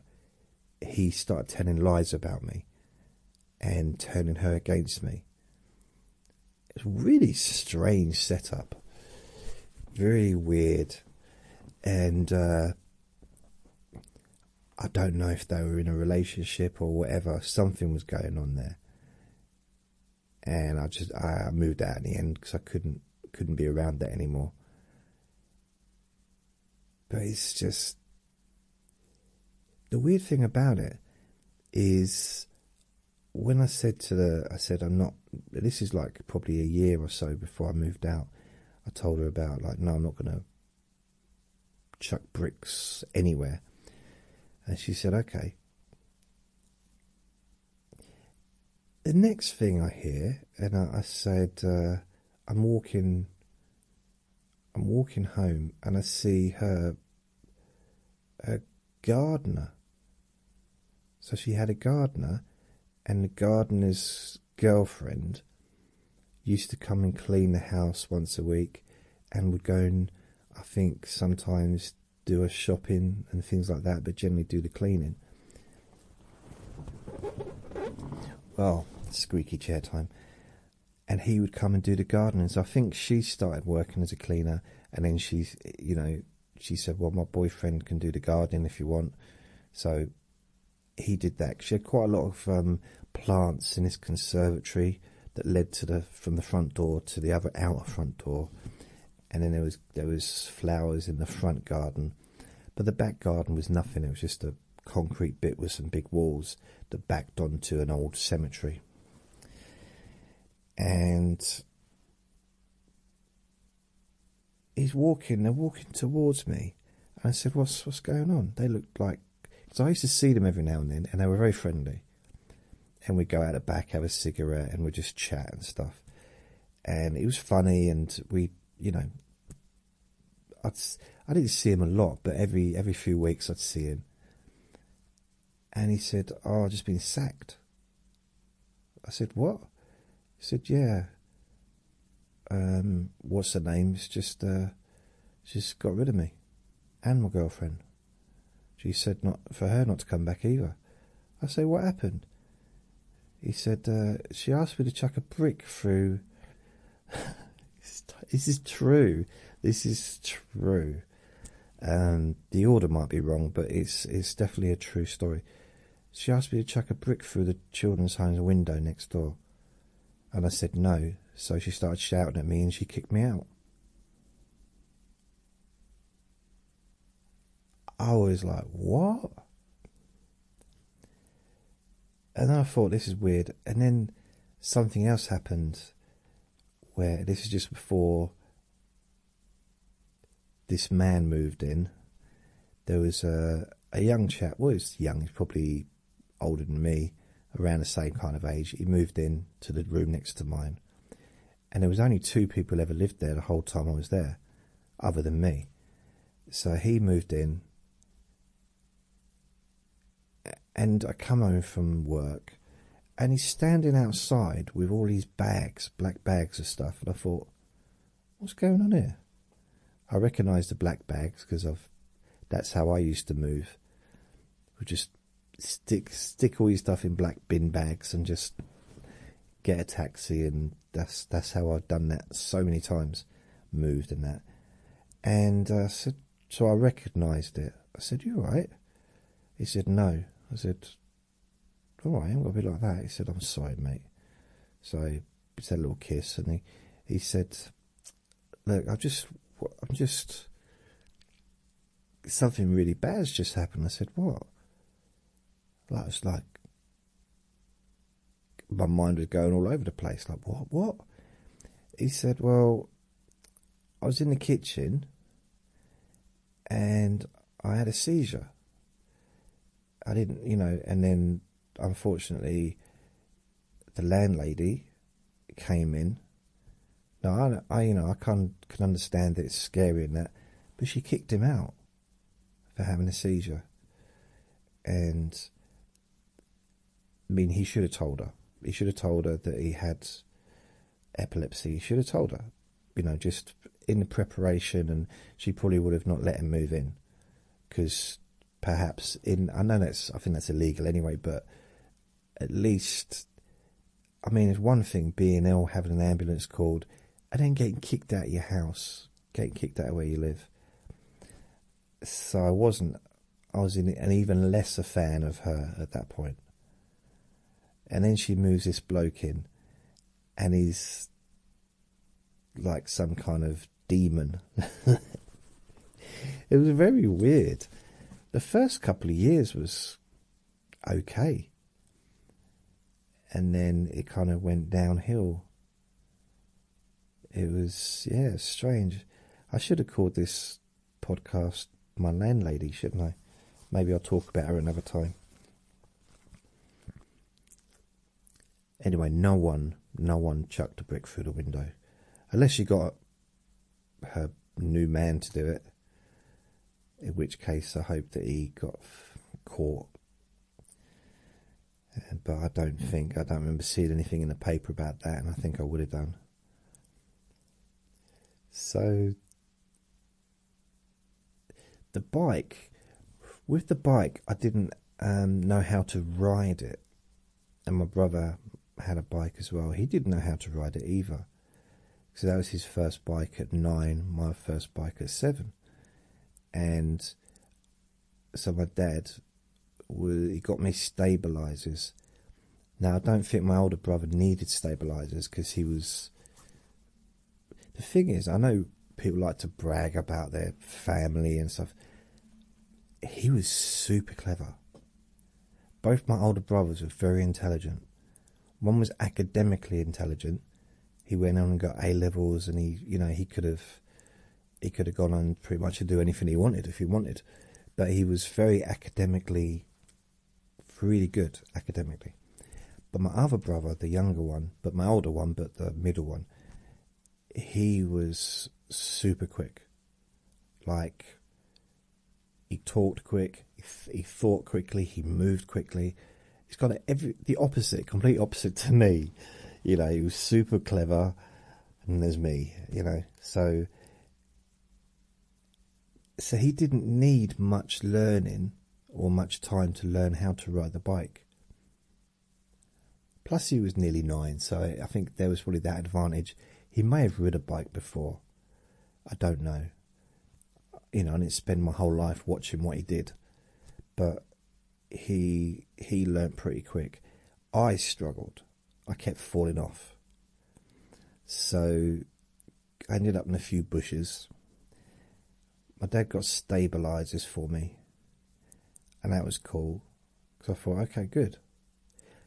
he started telling lies about me and turning her against me. It's a really strange setup very weird, and uh, I don't know if they were in a relationship or whatever. Something was going on there, and I just I moved out in the end because I couldn't couldn't be around that anymore. But it's just the weird thing about it is when I said to the, I said I'm not. This is like probably a year or so before I moved out. I told her about like, no, I'm not gonna chuck bricks anywhere, and she said, okay. The next thing I hear, and I, said, uh, I'm walking. I'm walking home, and I see her, a gardener, so she had a gardener, and the gardener's girlfriend used to come and clean the house once a week and would go and I think sometimes do a shopping and things like that, but generally do the cleaning. Well, squeaky chair time. And he would come and do the gardening. So I think she started working as a cleaner, and then she's, you know, she said, Well, my boyfriend can do the gardening if you want. So he did that. She had quite a lot of um, plants in his conservatory that led to the from the front door to the other outer front door, and then there was there was flowers in the front garden, but the back garden was nothing. It was just a concrete bit with some big walls that backed onto an old cemetery, and he's walking, they're walking towards me. And I said, What's what's going on? They looked like because I used to see them every now and then and they were very friendly. And we'd go out the back, have a cigarette, and we'd just chat and stuff. And it was funny and we you know I'd I i did not see him a lot, but every every few weeks I'd see him. And he said, Oh, I've just been sacked. I said, What? He said, Yeah. Um, what's her name's just uh she's got rid of me. And my girlfriend. She said not for her not to come back either. I say, What happened? He said, uh, she asked me to chuck a brick through [LAUGHS] This is true. This is true. Um, the order might be wrong, but it's it's definitely a true story. She asked me to chuck a brick through the children's home's window next door, and I said no, so she started shouting at me and she kicked me out. I was like, what? And I thought, this is weird. And then something else happened where this is just before this man moved in, there was a, a young chap, well, he's young, he's probably older than me, around the same kind of age. He moved in to the room next to mine. And there was only two people ever lived there the whole time I was there, other than me. So he moved in, and I come home from work, and he's standing outside with all his bags, black bags of stuff. And I thought, what's going on here? I recognise the black bags because I've that's how I used to move. We'll just stick stick all your stuff in black bin bags and just get a taxi and that's that's how I've done that so many times, moved and that. And uh, so, so I recognised it. I said, "You are right." He said, "No." I said, Oh, I have going to be like that. He said, I'm sorry, mate. So he said a little kiss, and he he said, look, I just, I'm just, something really bad's just happened. I said, what? Like, was like, my mind was going all over the place. Like, what, what? He said, well, I was in the kitchen and I had a seizure. I didn't, you know, and then unfortunately the landlady came in. Now, I, I you know, I can, can understand that it's scary and that, but she kicked him out for having a seizure. And, I mean, he should have told her. He should have told her that he had epilepsy. He should have told her you know, just in the preparation, and she probably would have not let him move in because perhaps in I know that's I think that's illegal anyway, but at least I mean, it's one thing being ill, having an ambulance called, and then getting kicked out of your house, getting kicked out of where you live. So I wasn't, I was in an even lesser fan of her at that point. And then she moves this bloke in, and he's like some kind of demon. [LAUGHS] it was very weird. The first couple of years was okay. And then it kind of went downhill. It was, yeah, strange. I should have called this podcast My Landlady, shouldn't I? Maybe I'll talk about her another time. Anyway, no one, no one chucked a brick through the window, unless she got her new man to do it. In which case, I hope that he got caught. Uh, but I don't think I don't remember seeing anything in the paper about that, and I think I would have done. So the bike with the bike I didn't um, know how to ride it, and my brother had a bike as well. He didn't know how to ride it either, so that was his first bike at nine, my first bike at seven, and so my dad he got me stabilizers. Now I don't think my older brother needed stabilizers because he was the thing is, I know people like to brag about their family and stuff. He was super clever. Both my older brothers were very intelligent. One was academically intelligent. He went on and got A levels, and he, you know, he could have, he could have gone on pretty much to do anything he wanted if he wanted, but he was very academically, really good academically. But my other brother, the younger one, but my older one, but the middle one, he was super quick. Like, he talked quick, he, he thought quickly, he moved quickly. He's got every the opposite, complete opposite to me. You know, he was super clever, and there's me. You know, so so he didn't need much learning or much time to learn how to ride the bike. Plus, he was nearly nine, so I think there was probably that advantage. He may have ridden a bike before. I don't know. You know, I didn't spend my whole life watching what he did, but he he learnt pretty quick. I struggled. I kept falling off. So I ended up in a few bushes my dad got stabilizers for me, and that was cool because I thought, okay, good.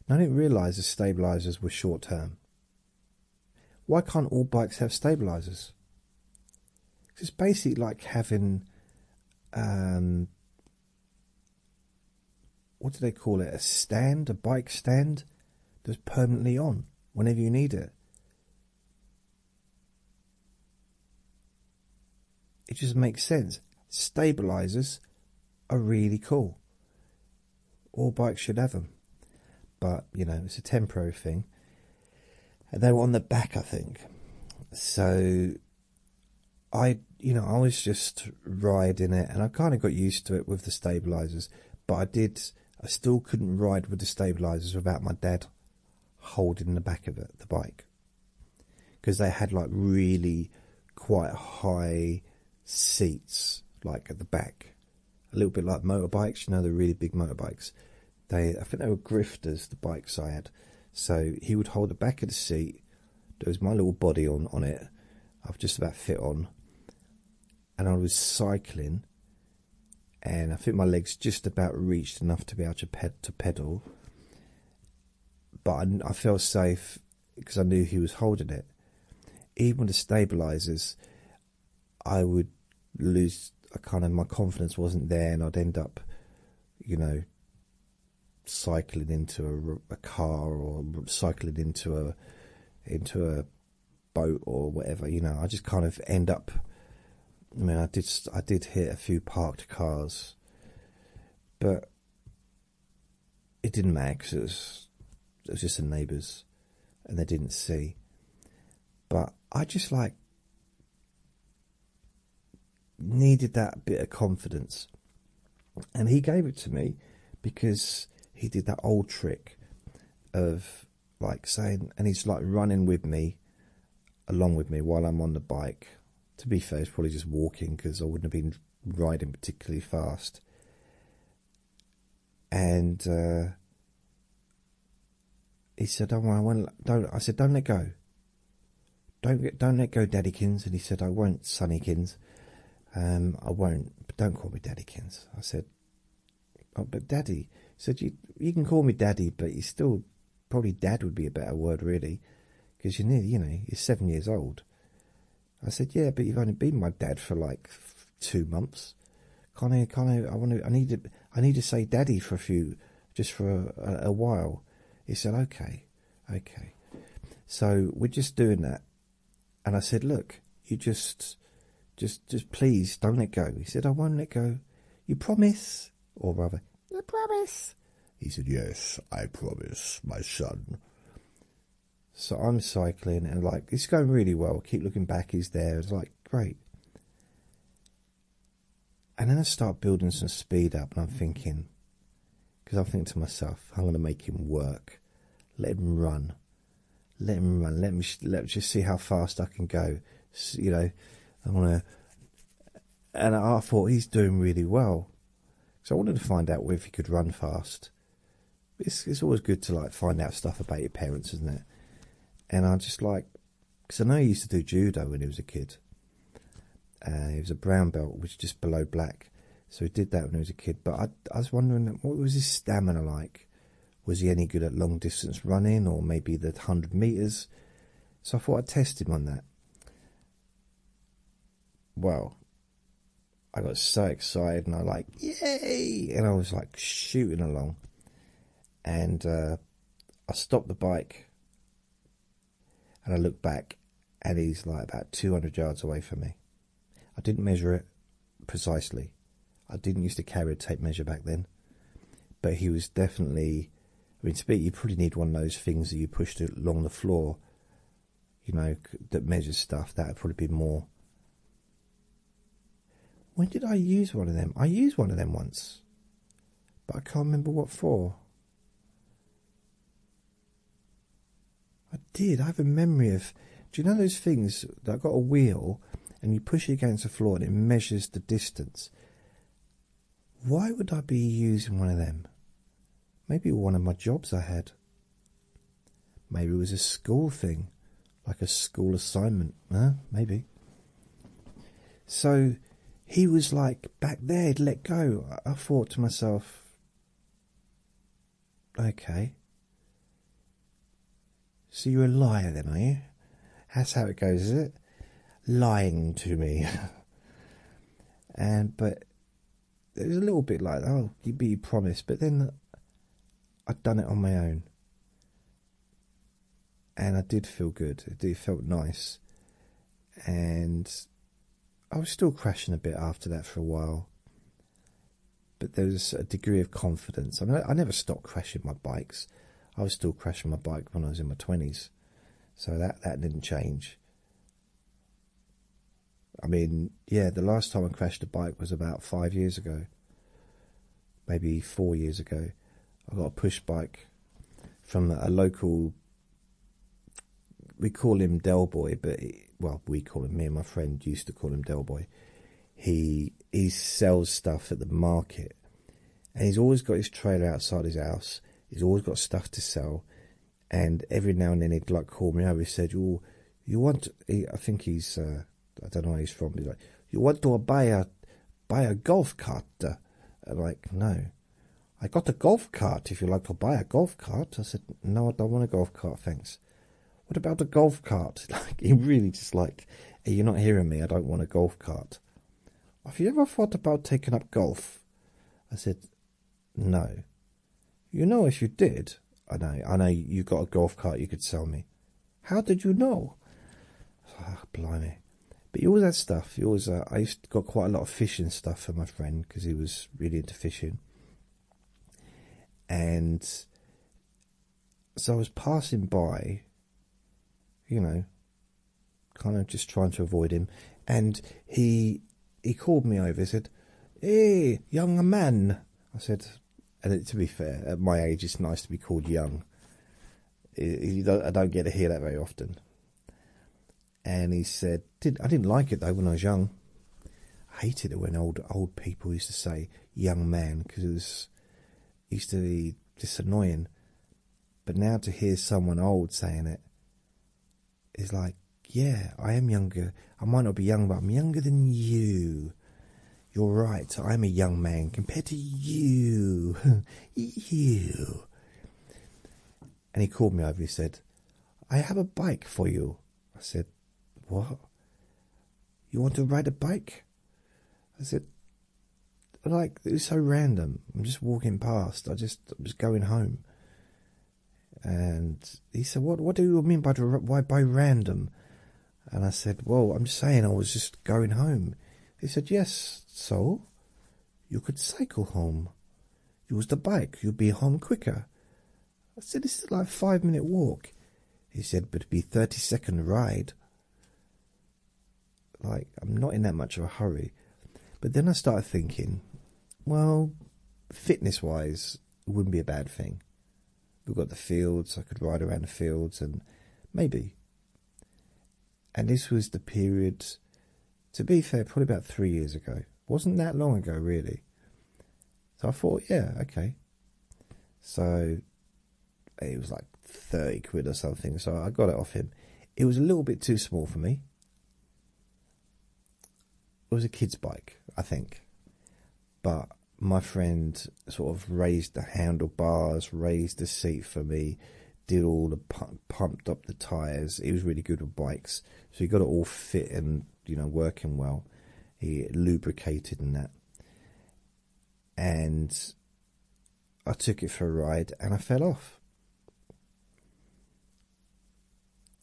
Now I didn't realize the stabilizers were short term. Why can't all bikes have stabilizers? It's basically like having, um, what do they call it? A stand, a bike stand that's permanently on whenever you need it. It just makes sense. Stabilizers are really cool. All bikes should have them. But, you know, it's a temporary thing. they were on the back, I think. So, I, you know, I was just riding it and I kind of got used to it with the stabilizers. But I did, I still couldn't ride with the stabilizers without my dad holding the back of the bike because they had like really quite high seats like at the back a little bit like motorbikes you know the really big motorbikes they i think they were grifters the bikes i had so he would hold the back of the seat there was my little body on on it i've just about fit on and i was cycling and i think my legs just about reached enough to be able to, ped to pedal but I, felt safe because I knew he was holding it. Even with the stabilizers, I would lose. I kind of my confidence wasn't there, and I'd end up, you know, cycling into a, a car or cycling into a into a boat or whatever. You know, I just kind of end up I mean, I did I did hit a few parked cars, but it didn't matter because it was it was just the neighbours, and they didn't see. But I just like needed that bit of confidence, and he gave it to me because he did that old trick of like saying, and he's like running with me, along with me while I'm on the bike to be fair, it's probably just walking because I wouldn't have been riding particularly fast. And uh, he said, "Don't I won't." Don't I said, "Don't let go." Don't don't let go, Daddykins. And he said, "I won't, Sunnykins. Um, I won't. don't call me Daddykins." I said, oh, but Daddy." said, "You you can call me Daddy, but you still probably dad would be a better word really because you're you know he's seven years old i said yeah but you've only been my dad for like two months can't i can't i, I want to i need to i need to say daddy for a few just for a, a while he said okay okay so we're just doing that and i said look you just just just please don't let go he said i won't let go you promise or rather I promise? He said, Yes, I promise, my son. So I'm cycling and like it's going really well. keep looking back, he's there. It's like great. And then I start building some speed up, and I'm thinking, because I'm thinking to myself, I'm going to make him work, let him run, let him run, let me let just see how fast I can go. you know, I'm going to and I thought he's doing really well. So I wanted to find out if he could run fast. It's always good to like find out stuff about your parents, isn't it? And I just like because I know he used to do judo when he was a kid. Uh, he was a brown belt, which is just below black, so he did that when he was a kid. But I was wondering what was his stamina like. Was he any good at long distance running or maybe the hundred meters? So I thought I'd test him on that well, I got so excited and I like, yay! And I was like shooting along. And uh, I stopped the bike and I looked back and he's like about 200 yards away from me. I didn't measure it precisely. I didn't used to carry a tape measure back then. But he was definitely I mean, to be, you probably need one of those things that you pushed along the floor, you know, that measures stuff. That would probably be more. When did I use one of them? I used one of them once, but I can't remember what for. I did. I have a memory of. Do you know those things that have got a wheel and you push it against the floor and it measures the distance? Why would I be using one of them? Maybe one of my jobs I had. Maybe it was a school thing, like a school assignment, huh? Maybe. So he was like back there, he'd let go. I thought to myself, okay. So you're a liar then, are you? That's how it goes, is it? Lying to me. [LAUGHS] and but it was a little bit like oh you would be promised but then i'd done it on my own and i did feel good it did, felt nice and i was still crashing a bit after that for a while but there was a degree of confidence i mean I never stopped crashing my bikes i was still crashing my bike when i was in my 20s so that that didn't change I mean, yeah, the last time I crashed a bike was about five years ago, maybe four years ago. I got a push bike from a local. We call him Del Boy, but well, we call him. Me and my friend used to call him Del Boy. He he sells stuff at the market, and he's always got his trailer outside his house, he's always got stuff to sell, and every now and then he'd like call me over. He said, "Oh, you want?" I think he's uh, I don't know where he's from. He's like, "You want to buy a buy a golf cart?" Uh, like, no. I got a golf cart. If you like to buy a golf cart, I said, no, I don't want a golf cart, thanks. What about a golf cart? [LAUGHS] Like, he really just like, hey, you're not hearing me. I don't want a golf cart. Have you ever thought about taking up golf? I said, no. You know if you did, I know, I know you got a golf cart you could sell me. How did you know? Ah, blimey. But you always had stuff. You always, uh, I used to got quite a lot of fishing stuff for my friend because he was really into fishing. And so I was passing by, you know, kind of just trying to avoid him, and he he called me over. He said, "Hey, young man," I said, and to be fair, at my age, it's nice to be called young. I don't get to hear that very often. And he said, "Did I didn't like it though when I was young. I hated it when old old people used to say young man because it was used to be just annoying. But now to hear someone old saying it, is like, yeah, I am younger. I might not be young, but I'm younger than you. You're right. I'm a young man compared to you. [LAUGHS] you. And he called me over. He said, I have a bike for you. I said, What? You want to ride a bike? I said, Like, it was so random. I'm just walking past. I just I was going home. And he said, "What? What do you mean by why by random?" And I said, "Well, I'm saying I was just going home." He said, "Yes, so you could cycle home, use the bike, you'd be home quicker." I said, "This is like a five-minute walk." He said, "But be thirty-second ride." Like I'm not in that much of a hurry. But then I started thinking, well, fitness wise, it wouldn't be a bad thing. We've got the fields, I could ride around the fields, and maybe. And this was the period, to be fair, probably about three years ago. wasn't that long ago, really. So I thought, yeah, okay. So it was like 30 quid or something, so I got it off him. It was a little bit too small for me it was a kid's bike, I think, but my friend sort of raised the handlebars, raised the seat for me, did all the pumped up the tires. He was really good with bikes, so he got it all fit and you know working well. He lubricated and that, and I took it for a ride and I fell off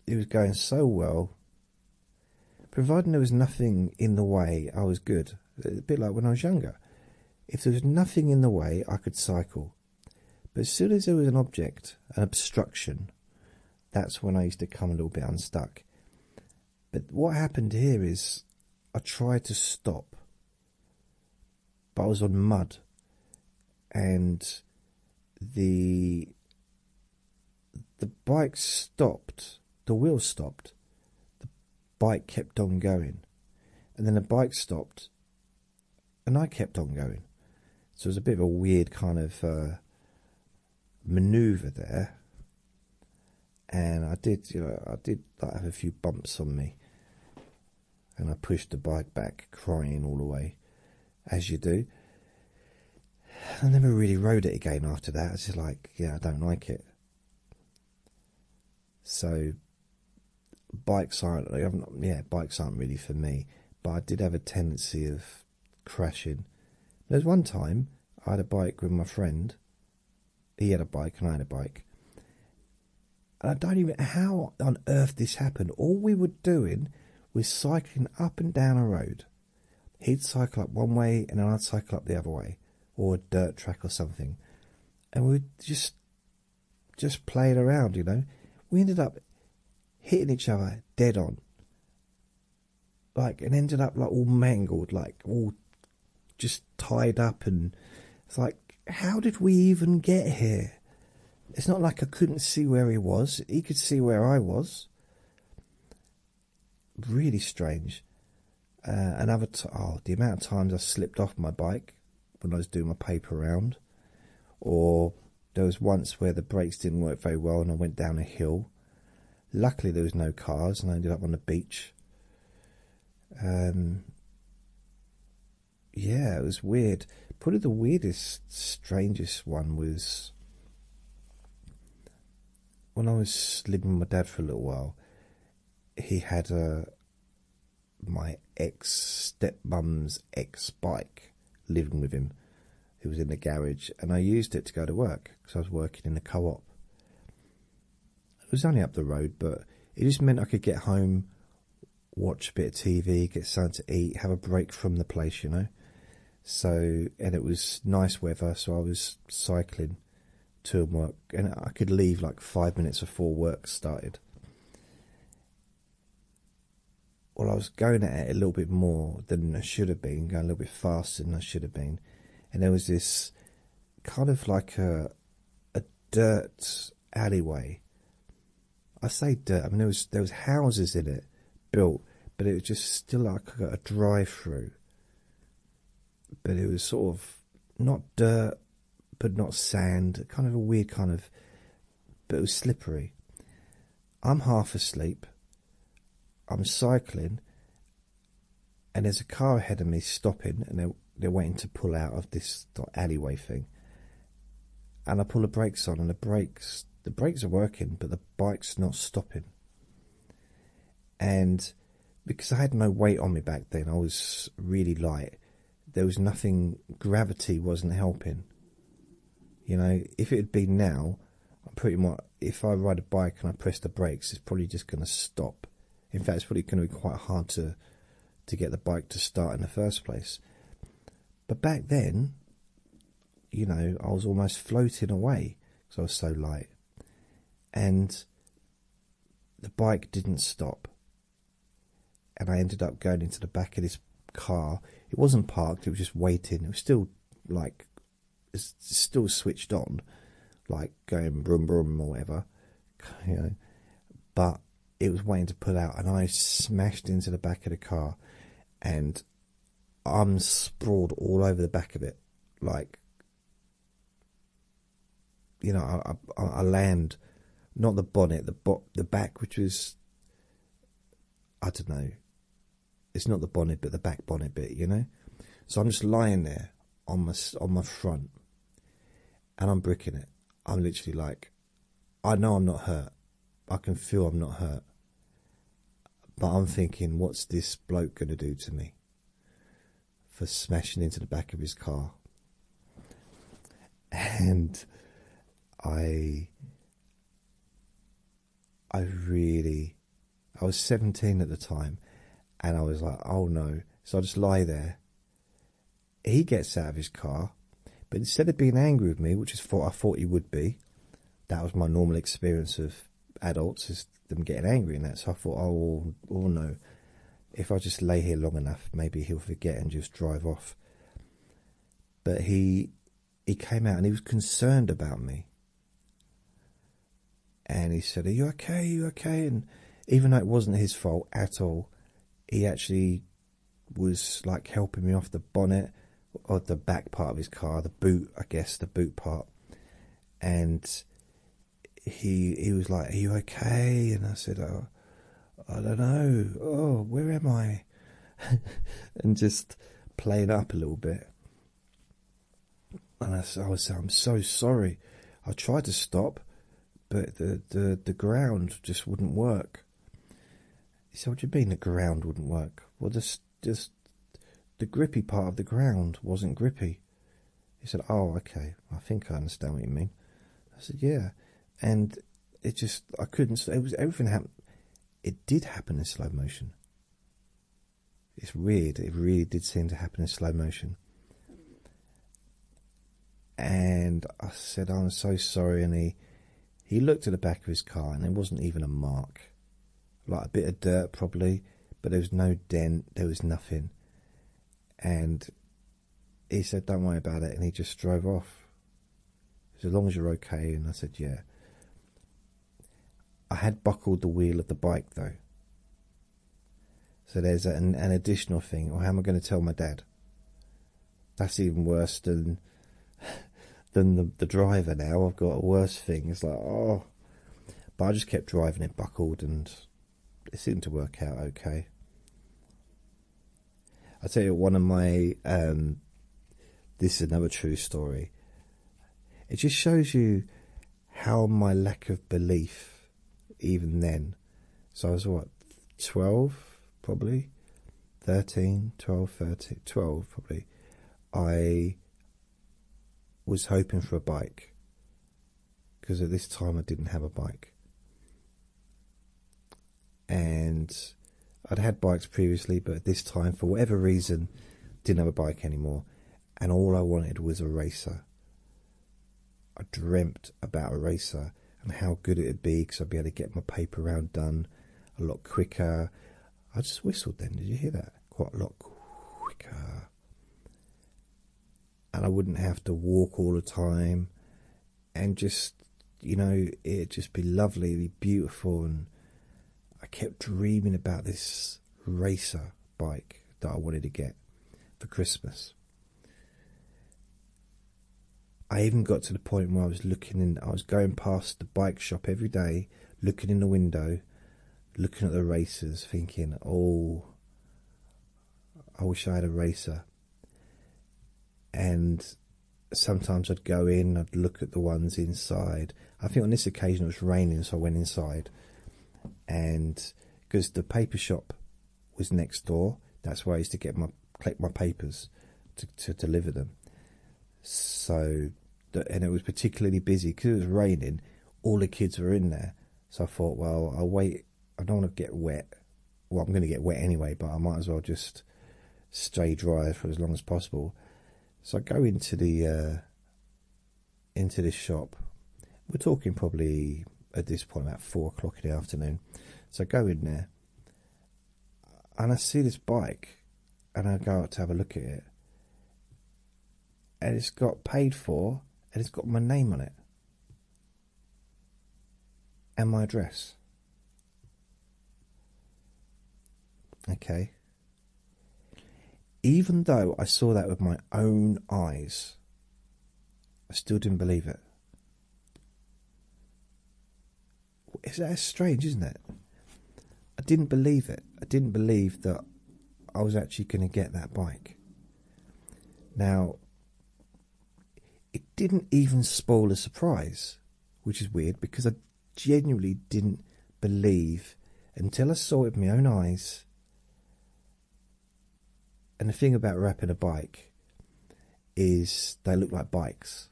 it was going so well. Providing there was nothing in the way, I was good. A bit like when I was younger. If there was nothing in the way, I could cycle. But as soon as there was an object, an obstruction, that's when I used to come a little bit unstuck. But what happened here is I tried to stop, but I was on mud. And the the bike stopped, the wheel stopped, the bike kept on going, and then the bike stopped, and I kept on going. So it was a bit of a weird kind of uh, maneuver there, and I did, you know, I did have a few bumps on me, and I pushed the bike back, crying all the way, as you do. I never really rode it again after that. It's just like, yeah, I don't like it. So, bikes aren't, yeah, bikes aren't really for me. But I did have a tendency of crashing. There was one time I had a bike with my friend. He had a bike and I had a bike. And I don't even how on earth this happened. All we were doing we was cycling up and down a road. He'd cycle up one way and I'd cycle up the other way, or a dirt track or something, and we'd just just playing around, you know. We ended up hitting each other dead on, like, and ended up like all mangled, like all just tied up, and it's like, how did we even get here? It's not like I couldn't see where he was. He could see where I was. Really strange. Uh, another t oh, the amount of times I slipped off my bike when I was doing my paper round, or there was once where the brakes didn't work very well and I went down a hill. Luckily, there was no cars and I ended up on the beach. Um, yeah, it was weird. Probably the weirdest, strangest one was when I was living with my dad for a little while. He had a uh, my ex step mum's ex bike living with him. It was in the garage, and I used it to go to work because I was working in a co-op. It was only up the road, but it just meant I could get home watch a bit of TV, get something to eat, have a break from the place, you know. So, and it was nice weather, so I was cycling to work, and I could leave like five minutes before work started. Well, I was going at it a little bit more than I should have been, going a little bit faster than I should have been, and there was this kind of like a a dirt alleyway I say dirt. I mean, there was there was houses in it built, but it was just still like a drive-through. But it was sort of not dirt, but not sand. Kind of a weird kind of, but it was slippery. I'm half asleep. I'm cycling, and there's a car ahead of me stopping, and they're they're waiting to pull out of this alleyway thing and I pull the brakes on, and the brakes the brakes are working, but the bike's not stopping. And because I had no weight on me back then, I was really light. There was nothing. Gravity wasn't helping. You know, if it had been now, I'm pretty much. If I ride a bike and I press the brakes, it's probably just going to stop. In fact, it's probably going to be quite hard to to get the bike to start in the first place. But back then, you know, I was almost floating away because I was so light, and the bike didn't stop. And I ended up going into the back of this car. It wasn't parked; it was just waiting. It was still like, it's still switched on, like going boom, boom, or whatever, [LAUGHS] you know. But it was waiting to pull out, and I smashed into the back of the car, and arms sprawled all over the back of it, like you know, I, land, not the bonnet, the bo the back, which was, I don't know, it's not the bonnet, but the back bonnet bit, you know. So I'm just lying there on my on my front, and I'm bricking it. I'm literally like, I know I'm not hurt. I can feel I'm not hurt. But I'm thinking, what's this bloke going to do to me for smashing into the back of his car? And I. I really. I was 17 at the time and I was like, oh no. So I just lie there. He gets out of his car, but instead of being angry with me, which is what I thought he would be, that was my normal experience of adults is them getting angry and that. So I thought, oh, or, no, if I just lay here long enough, maybe he'll forget and just drive off. But he he came out and he was concerned about me. And he said, Are you okay? Are you okay? And even though it wasn't his fault at all, he actually was like helping me off the bonnet, or the back part of his car, the boot, I guess, the boot part, and he he was like, "Are you okay?" And I said, "Oh, I don't know. Oh, where am I?" [LAUGHS] and just playing up a little bit. And I, I was, I'm so sorry. I tried to stop, but the the the ground just wouldn't work. He said, "What you mean the ground wouldn't work?" Well, just just the grippy part of the ground wasn't grippy. He said, "Oh, okay. I think I understand what you mean." I said, "Yeah," and it just I couldn't. It was everything happened. It did happen in slow motion. It's weird. It really did seem to happen in slow motion. And I said, "I'm so sorry," and he he looked at the back of his car and there wasn't even a mark. Like a bit of dirt, probably, but there was no dent, there was nothing. And he said, Don't worry about it. And he just drove off. As long as you're okay. And I said, Yeah. I had buckled the wheel of the bike though. So there's an, additional thing. Or how am I going to tell my dad? That's even worse than than the, the driver now. I've got a worse things like oh, but I just kept driving it buckled and it seemed to work out okay. I tell you, one of my um, this is another true story. It just shows you how my lack of belief, even then. So I was what, 12 probably? 13, 12, 13, 12 probably. I was hoping for a bike because at this time I didn't have a bike, and I'd had bikes previously, but at this time, for whatever reason, didn't have a bike anymore, and all I wanted was a racer. I dreamt about a racer and how good it would be because I'd be able to get my paper round done a lot quicker. I just whistled then. Did you hear that? Quite a lot quicker. And I wouldn't have to walk all the time and just, you know, it'd just be lovely, be beautiful. And I kept dreaming about this racer bike that I wanted to get for Christmas. I even got to the point where I was looking in, I was going past the bike shop every day looking in the window, looking at the racers, thinking, oh, I wish I had a racer. And sometimes I'd go in, I'd look at the ones inside. I think on this occasion it was raining, so I went inside. And because the paper shop was next door, that's where I used to get my collect my papers to, deliver them. So and it was particularly busy because it was raining. All the kids were in there, so I thought, well, I'll wait. I don't want to get wet. Well, I'm going to get wet anyway, but I might as well just stay dry for as long as possible. So I go into the uh, into this shop. We're talking probably at this point about four o'clock in the afternoon. So I go in there, and I see this bike and I go out to have a look at it, and it's got paid for, and it's got my name on it and my address. Okay. Even though I saw that with my own eyes, I still didn't believe it. Is that strange, isn't it? I didn't believe it. I didn't believe that I was actually going to get that bike. Now, it didn't even spoil a surprise, which is weird because I genuinely didn't believe until I saw it with my own eyes. And the thing about wrapping a bike is they look like bikes.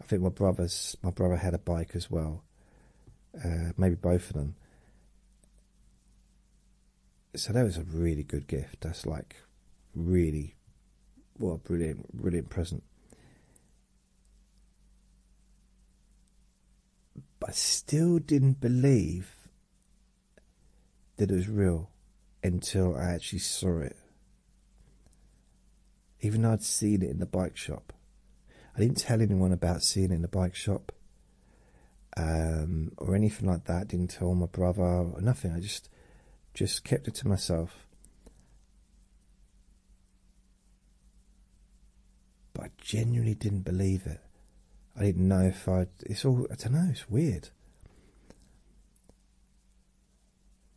I think my brother's my brother had a bike as well, uh, maybe both of them. So that was a really good gift. That's like really, what a brilliant, brilliant present. But still didn't believe that it was real until I actually saw it even though I'd seen it in the bike shop. I didn't tell anyone about seeing it in the bike shop um, or anything like that. Didn't tell my brother or nothing. I just just kept it to myself. But I genuinely didn't believe it. I didn't know if I. It's all. I don't know. It's weird.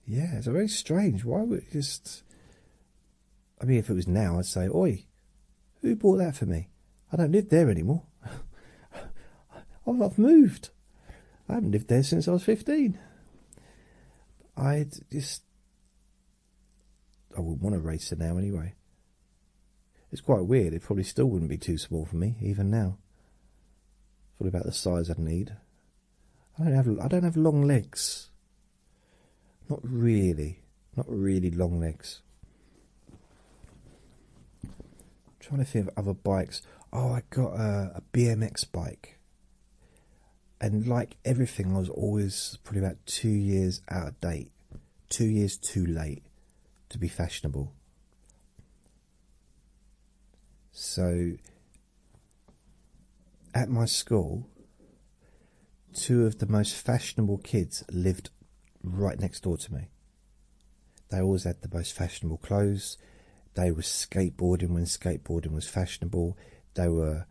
Yeah, it's very strange. Why would it just. I mean, if it was now, I'd say, Oi, who bought that for me? I don't live there anymore. [LAUGHS] I've moved. I haven't lived there since I was 15. I just. I wouldn't want a racer now anyway. It's quite weird. It probably still wouldn't be too small for me, even now. It's all about the size I'd need. I don't have. I don't have long legs. Not really, not really long legs. I'm trying to think of other bikes. Oh, I got a, a BMX bike, and like everything, I was always probably about two years out of date, two years too late to be fashionable. So, at my school, Two of the most fashionable kids lived right next door to me. They always had the most fashionable clothes. They were skateboarding when skateboarding was fashionable. They were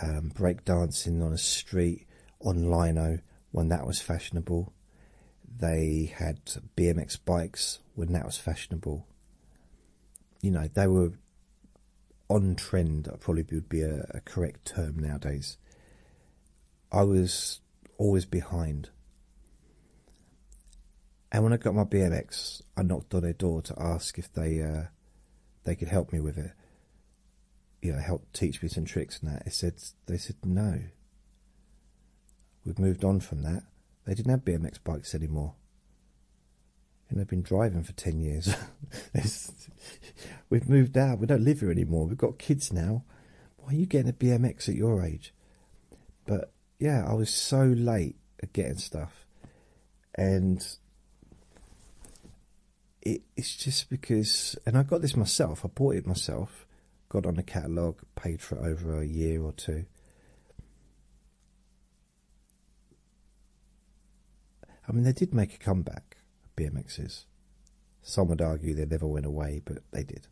um, breakdancing on a street on Lino when that was fashionable. They had BMX bikes when that was fashionable. You know, they were on trend probably would be a, correct term nowadays. I was always behind. And when I got my BMX, I knocked on their door to ask if they uh, they could help me with it. You know, help teach me some tricks and that. They said they said no. We've moved on from that. They didn't have BMX bikes anymore and I've been driving for 10 years. [LAUGHS] We've moved out, we don't live here anymore. We've got kids now. Why are you getting a BMX at your age? But yeah, I was so late at getting stuff, and it's just because. And I got this myself, I bought it myself, got on the catalogue, paid for it over a year or two. I mean, they did make a comeback, BMXs. Some would argue they never went away, but they did.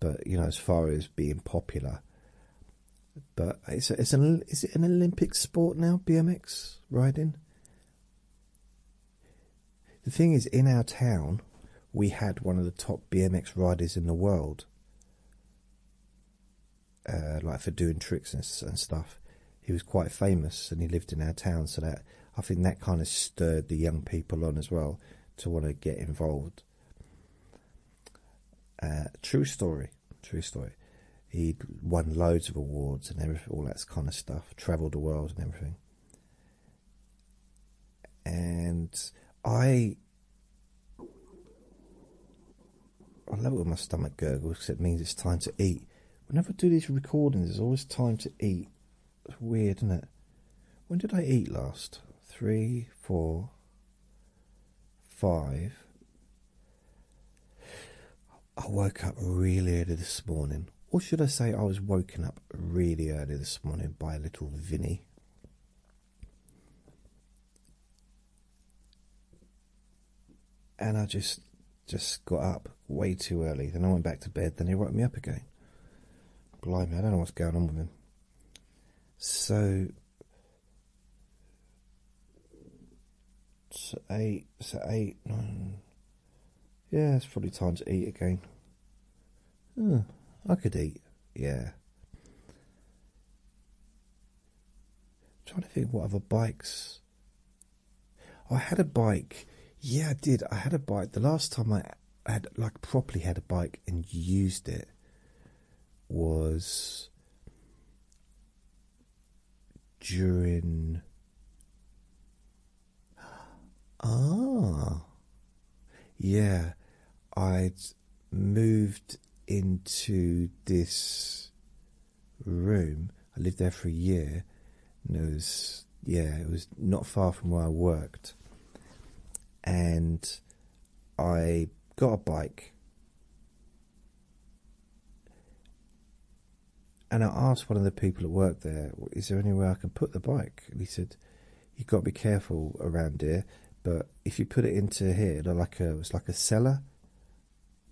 But you know, as far as being popular, but it's an is it an Olympic sport now? BMX riding. The thing is, in our town, we had one of the top BMX riders in the world, uh, like for doing tricks and stuff he was quite famous and he lived in our town, so that I think that kind of stirred the young people on as well to want to get involved. Uh, true story, true story. he won loads of awards and all that kind of stuff, travelled the world and everything. And I, I love it when my stomach gurgles because it means it's time to eat. Whenever I do these recordings, there's always time to eat. It's weird, isn't it? When did I eat last? Three, four, five. I woke up really early this morning. Or should I say, I was woken up really early this morning by a little Vinny and I just just got up way too early. Then I went back to bed. Then he woke me up again. Blimey, I don't know what's going on with him. So, so eight, nine. Yeah, it's probably time to eat again. Hmm, I could eat. Yeah. trying to think what other bikes I had a bike. Yeah, I did. I had a bike. The last time I had like properly had a bike and used it was during ah yeah i'd moved into this room. I lived there for a year, and it was yeah, it was not far from where I worked. And I got a bike, and I asked one of the people at work there, "Is there any way I can put the bike?" And he said, "You've got to be careful around here, but if you put it into here, like a it's like a cellar."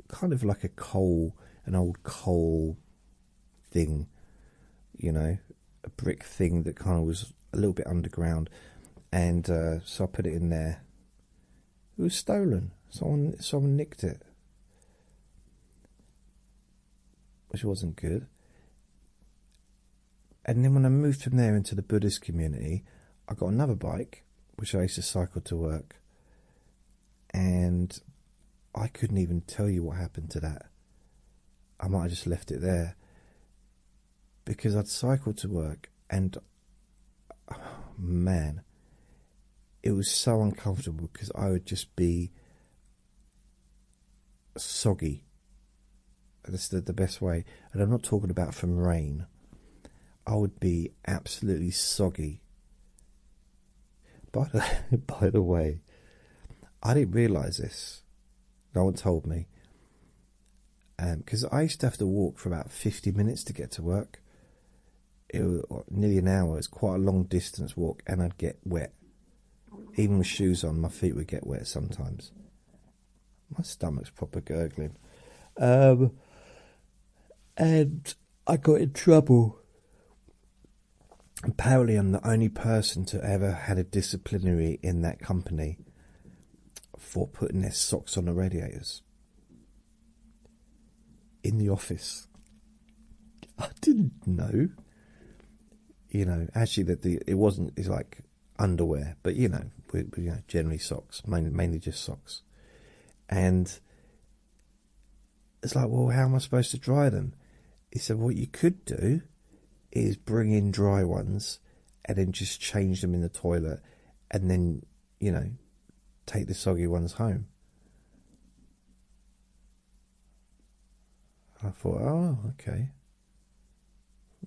kind of like a coal, an old coal thing, you know, a brick thing that kind of was a little bit underground, and uh, so I put it in there. It was stolen. Someone, someone nicked it, which wasn't good. And then when I moved from there into the Buddhist community, I got another bike, which I used to cycle to work and I couldn't even tell you what happened to that. I might have just left it there because I'd cycled to work, and oh [SIGHS] man, it was so uncomfortable because I would just be soggy. That's the, the best way, and I'm not talking about from rain. I would be absolutely soggy by the, [LAUGHS] by the way, I didn't realise this. No one told me. Because um, I used to have to walk for about 50 minutes to get to work. It was nearly an hour. It's quite a long distance walk, and I'd get wet. Even with shoes on, my feet would get wet sometimes. My stomach's proper gurgling. Um, and I got in trouble. Apparently, I'm the only person to ever had a disciplinary in that company for putting their socks on the radiators in the office. I didn't know. You know, actually, that the it wasn't. It's like underwear, but you know, we, know generally socks, mainly, mainly just socks, and it's like, well, how am I supposed to dry them? He said, what you could do is bring in dry ones and then just change them in the toilet and then, you know, take the soggy ones home. I thought, oh, okay.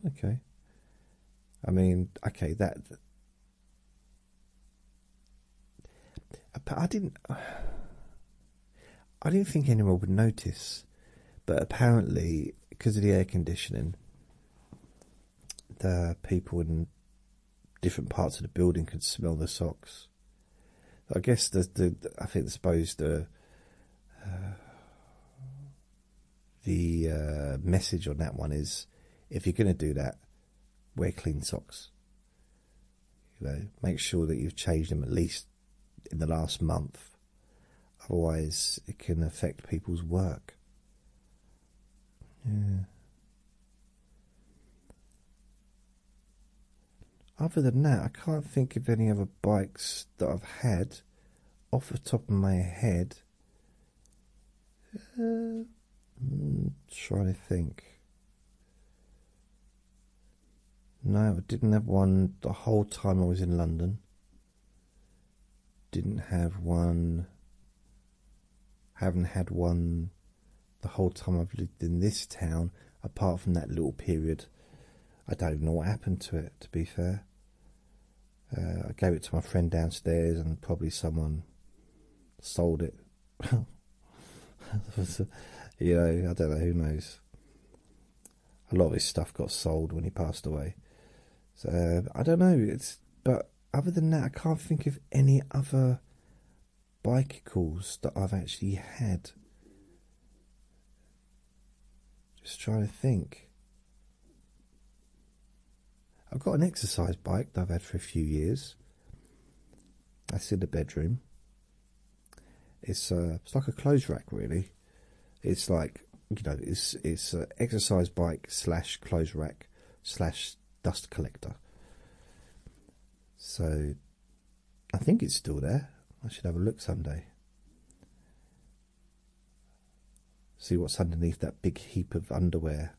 Okay. I mean, okay, that uh, I didn't. Uh, I didn't think anyone would notice, but apparently, because of the air conditioning, the people in different parts of the building could smell the socks. I guess the the I think suppose the uh, the uh, message on that one is if you're going to do that, wear clean socks. You know, make sure that you've changed them at least in the last month. Otherwise, it can affect people's work. Yeah. Other than that, I can't think of any other bikes that I've had off the top of my head. I'm uh, hmm, trying to think. No, I didn't have one the whole time I was in London. Didn't have one. Haven't had one the whole time I've lived in this town, apart from that little period. I don't even know what happened to it, to be fair. Uh, I gave it to my friend downstairs, and probably someone sold it. [LAUGHS] [LAUGHS] you know, I don't know, who knows. A lot of his stuff got sold when he passed away. So I don't know, it's but other than that I can't think of any other bicycles that I've actually had. Just trying to think. I've got an exercise bike that I've had for a few years. That's in the bedroom. It's uh, it's like a clothes rack, really. It's like you know, it's it's an uh, exercise bike slash clothes rack slash dust collector. So, I think it's still there. I should have a look someday. See what's underneath that big heap of underwear.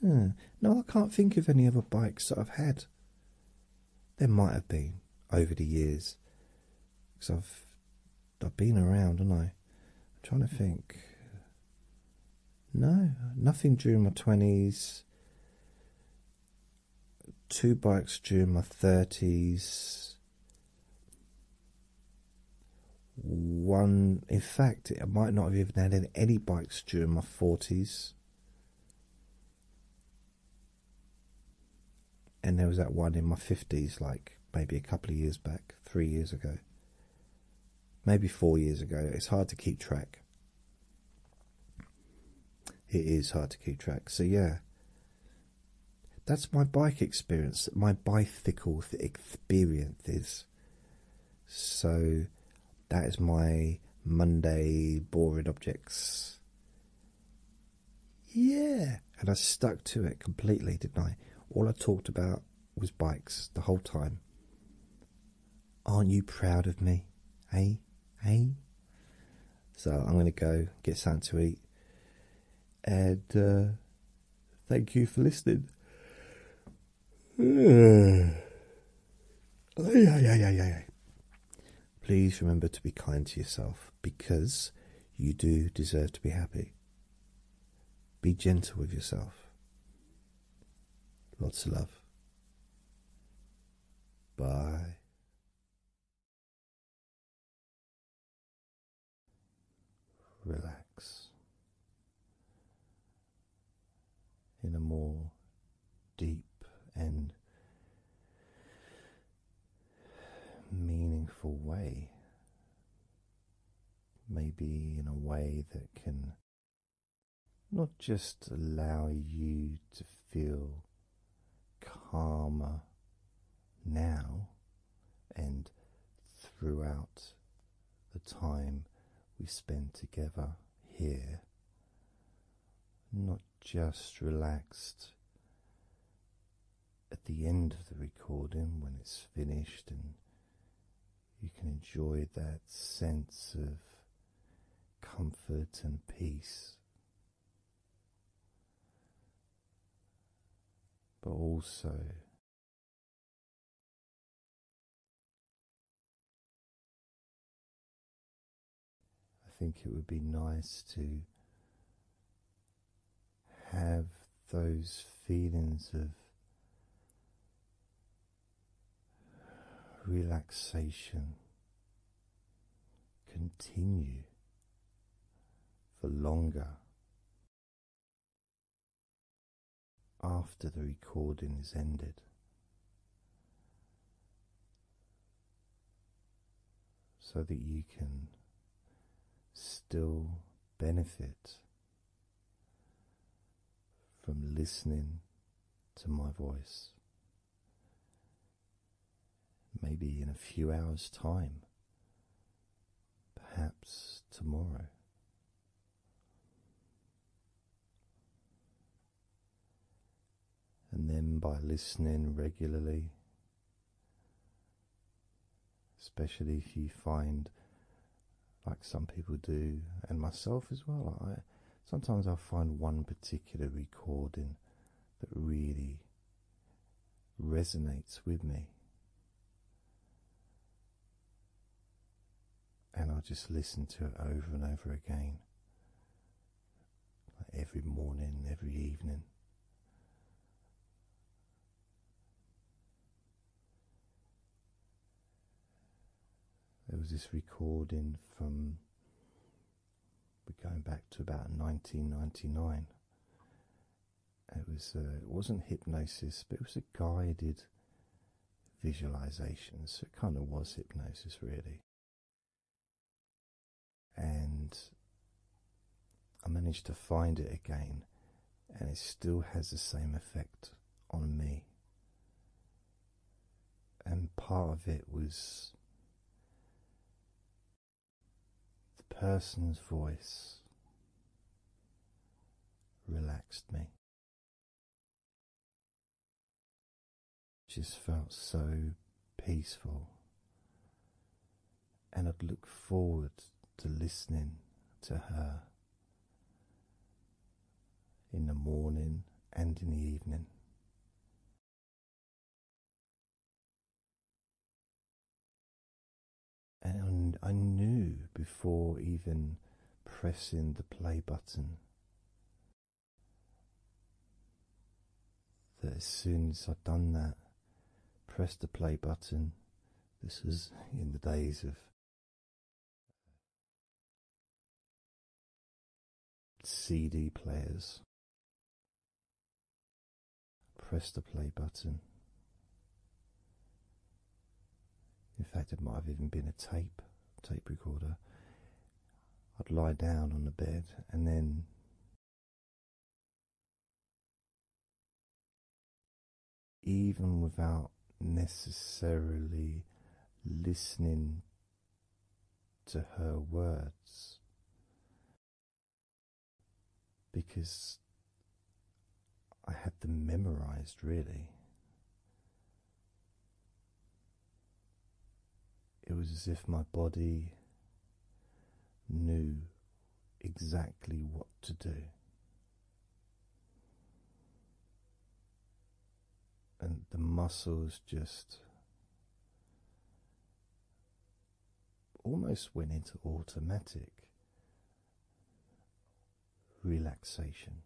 Hmm. No, I can't think of any other bikes that I've had. There might have been over the years, because I've I've been around, haven't I. I'm trying to think. No, nothing during my twenties. Two bikes during my thirties. One, in fact, I might not have even had any bikes during my forties. And there was that one in my 50s, like maybe a couple of years back, three years ago, maybe four years ago. It's hard to keep track. It is hard to keep track. So, yeah, that's my bike experience. That My bicycle experience is. So, that is my Monday boring objects. Yeah, and I stuck to it completely, didn't I? All I talked about was bikes the whole time. Aren't you proud of me? Hey, hey. So I'm going to go get something to eat, and uh, thank you for listening. Hmm. Please remember to be kind to yourself because you do deserve to be happy. Be gentle with yourself. Lots of love. Bye. Relax in a more deep and meaningful way. Maybe in a way that can not just allow you to feel calmer now and throughout the time we spend together here, not just relaxed at the end of the recording when it's finished and you can enjoy that sense of comfort and peace. But also I think it would be nice to have those feelings of relaxation continue for longer after the recording is ended so that you can still benefit from listening to my voice. Maybe in a few hours' time, perhaps tomorrow and then by listening regularly, especially if you find, like some people do, and myself as well, I sometimes I'll find one particular recording that really resonates with me. And I'll just listen to it over and over again every morning, every evening. There was this recording from we're going back to about 1999. It was uh, it wasn't hypnosis, but it was a guided visualization, so it kind of was hypnosis, really and I managed to find it again, and it still has the same effect on me. And part of it was the person's voice relaxed me. Just felt so peaceful, and I'd look forward to listening to her in the morning and in the evening. And I knew before even pressing the play button that as soon as I'd done that, press the play button. This was in the days of uh, CD players. Press the play button. In fact, it might have even been a tape, tape recorder, I'd lie down on the bed and then even without necessarily listening to her words because I had them memorized really it was as if my body knew exactly what to do. And the muscles just almost went into automatic relaxation.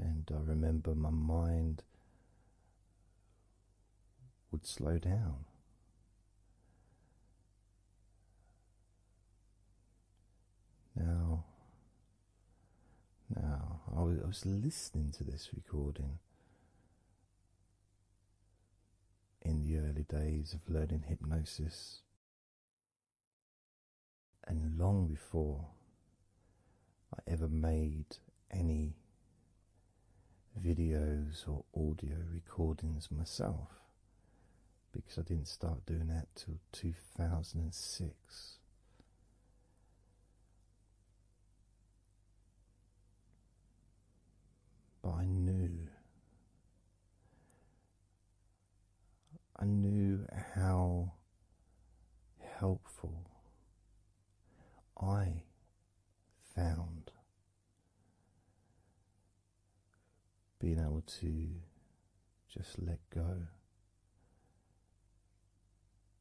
And I remember my mind would slow down. Now, now I was, I was listening to this recording in the early days of learning hypnosis, and long before I ever made any videos or audio recordings myself, because I didn't start doing that till 2006. But I knew. I knew how helpful I found being able to just let go,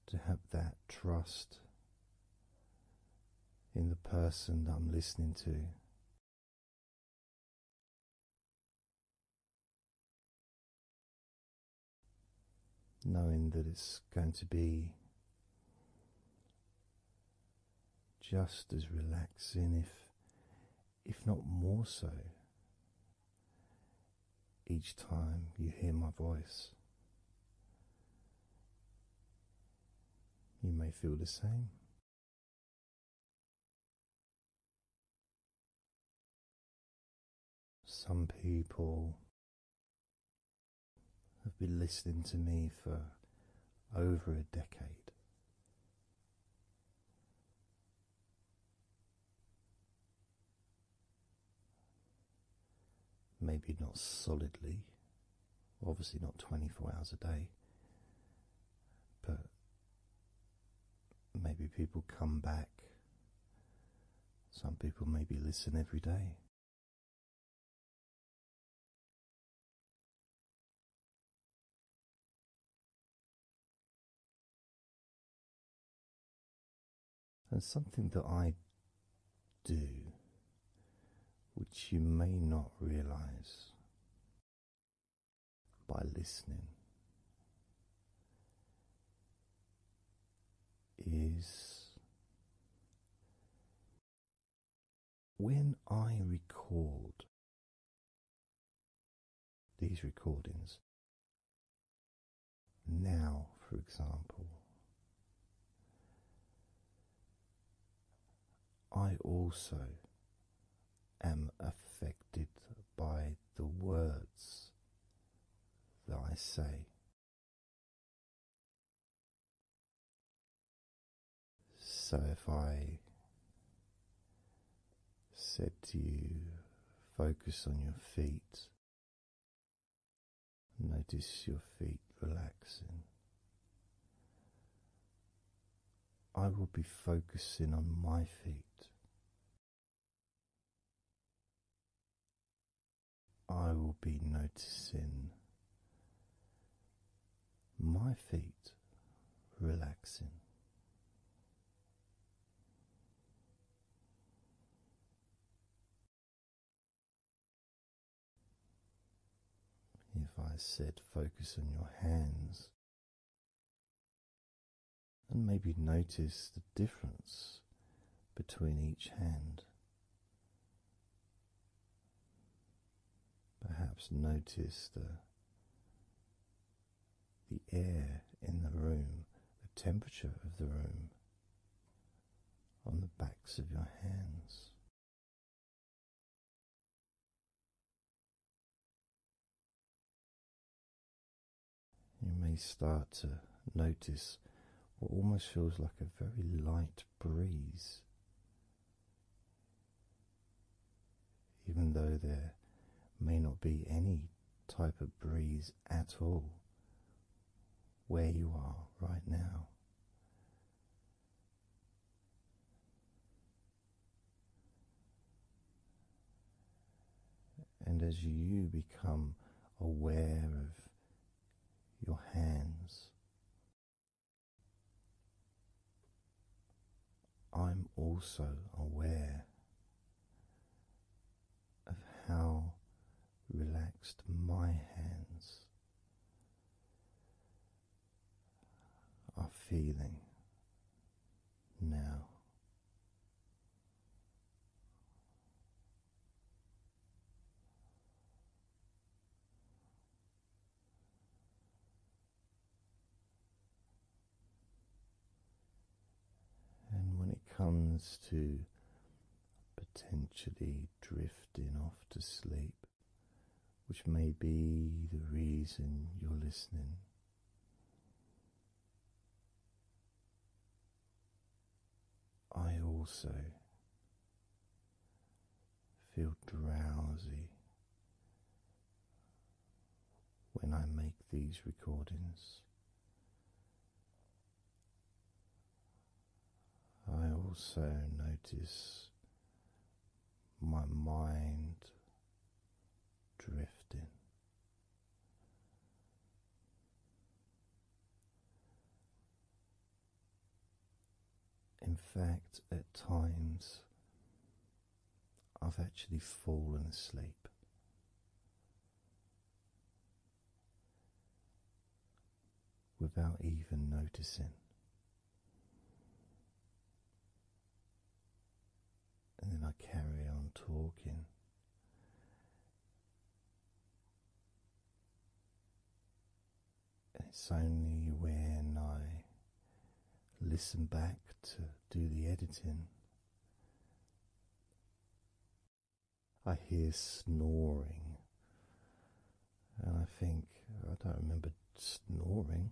to have that trust in the person I'm listening to. Knowing that it's going to be just as relaxing, if, if not more so, each time you hear my voice. You may feel the same. Some people have been listening to me for over a decade. Maybe not solidly, obviously not 24 hours a day, but maybe people come back. Some people maybe listen every day. And something that I do which you may not realize by listening, is when I record these recordings. Now, for example, I also am affected by the words that I say. So if I said to you, focus on your feet, notice your feet relaxing. I will be focusing on my feet. I will be noticing my feet relaxing. If I said focus on your hands and maybe notice the difference between each hand, perhaps notice the the air in the room, the temperature of the room on the backs of your hands. You may start to notice what almost feels like a very light breeze, even though there may not be any type of breeze at all where you are right now. And as you become aware of your hands, I'm also aware of how relaxed my hands are feeling now. And when it comes to potentially drifting off to sleep, which may be the reason you're listening. I also feel drowsy when I make these recordings. I also notice my mind drifting. In fact, at times I've actually fallen asleep. Without even noticing, and then I carry on talking. And it's only when I listen back to do the editing. I hear snoring, and I think I don't remember snoring.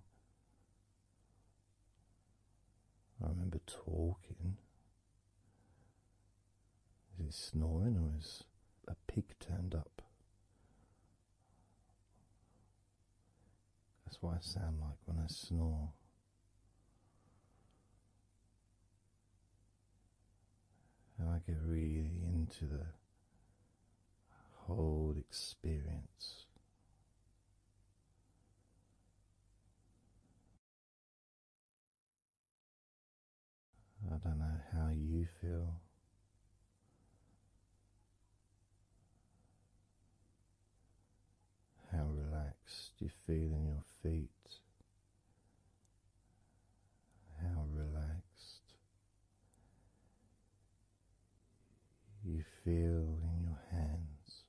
I remember talking. Is it snoring or is a pig turned up? That's what I sound like when I snore. And I get really into the whole experience. I don't know how you feel. How relaxed you feel in your feet. How relaxed you feel in your hands.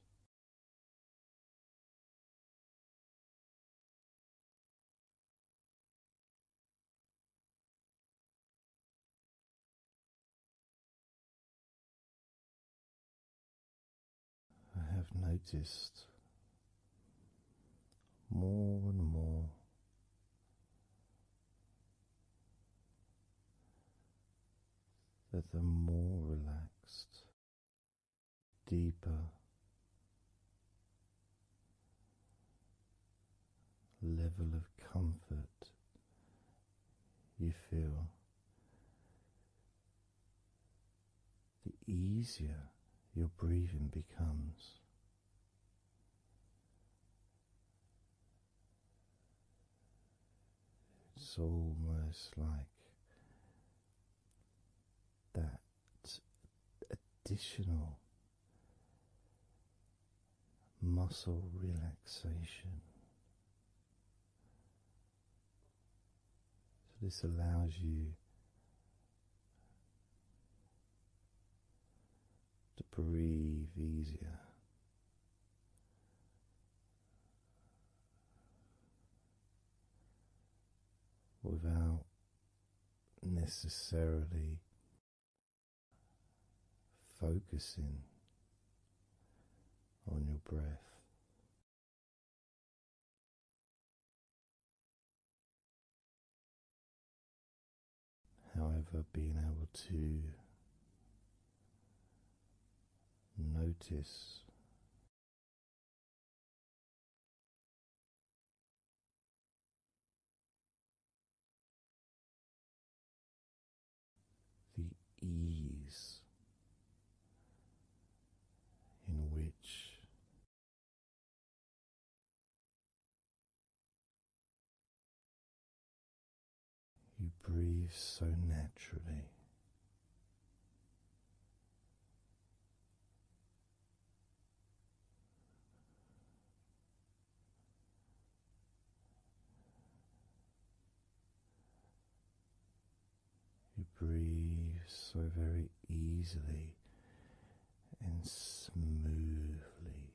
I have noticed more and more that the more relaxed, deeper, level of comfort you feel, the easier your breathing becomes. It's almost like that additional muscle relaxation. So, this allows you to breathe easier without necessarily focusing on your breath. However, being able to Notice the ease in which you breathe so naturally. You breathe so very easily and smoothly.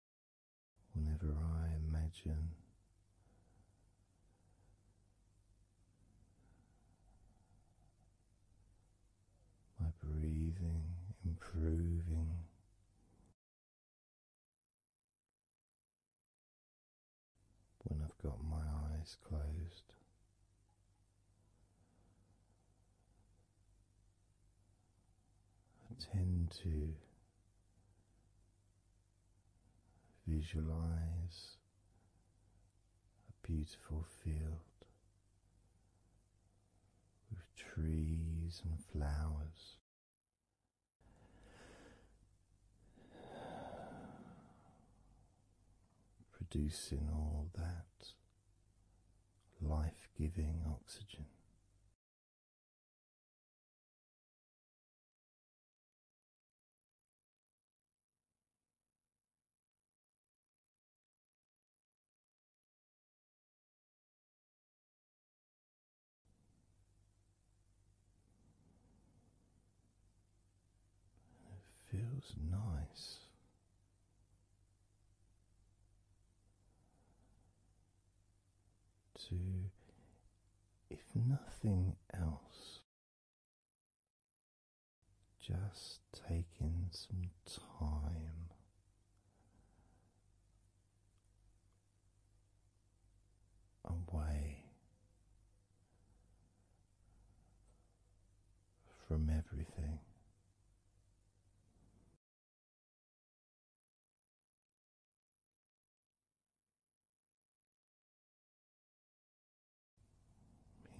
whenever I imagine my breathing improving. When I've got my eyes closed, I tend to Visualize a beautiful field with trees and flowers. Producing all that life giving oxygen it feels nice to, if nothing else, just take in some time away from everything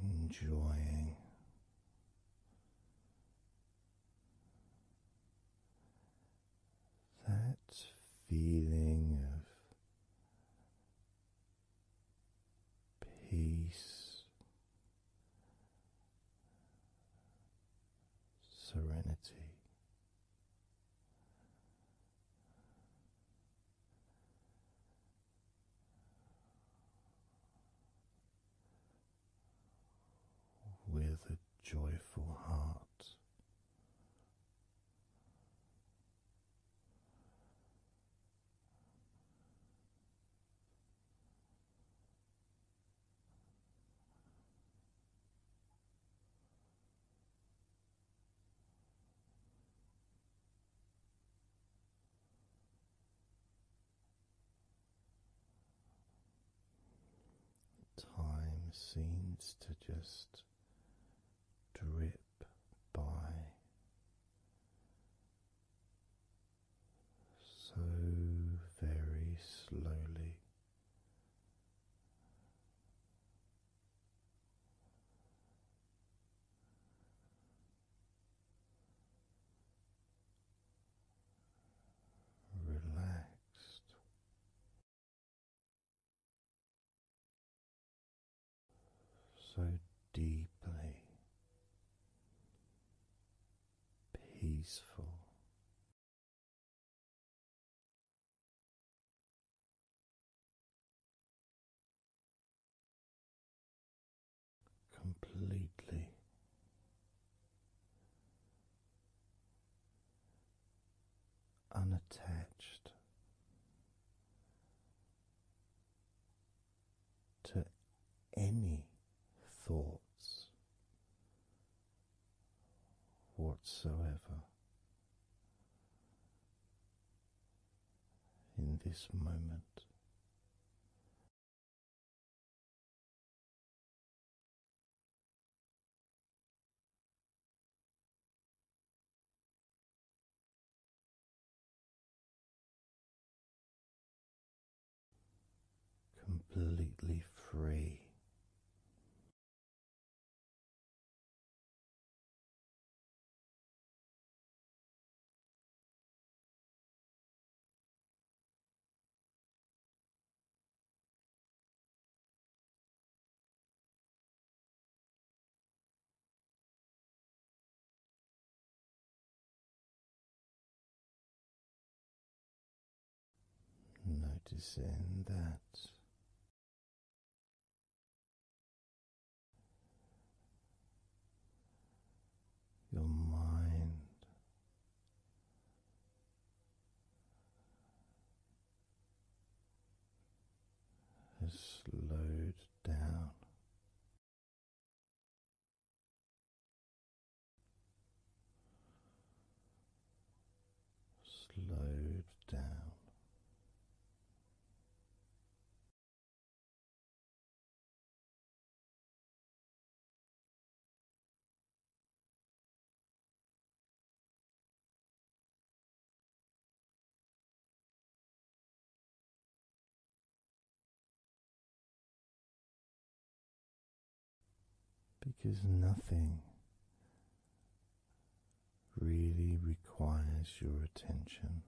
enjoying that feeling of peace, serenity with a joyful heart. Time seems to just drip by so very slowly relaxed. So deeply peaceful completely. Unattached to any thoughts whatsoever, in this moment. Completely free Noticing that your mind. Has slowed down. Slowed down, because nothing really requires your attention.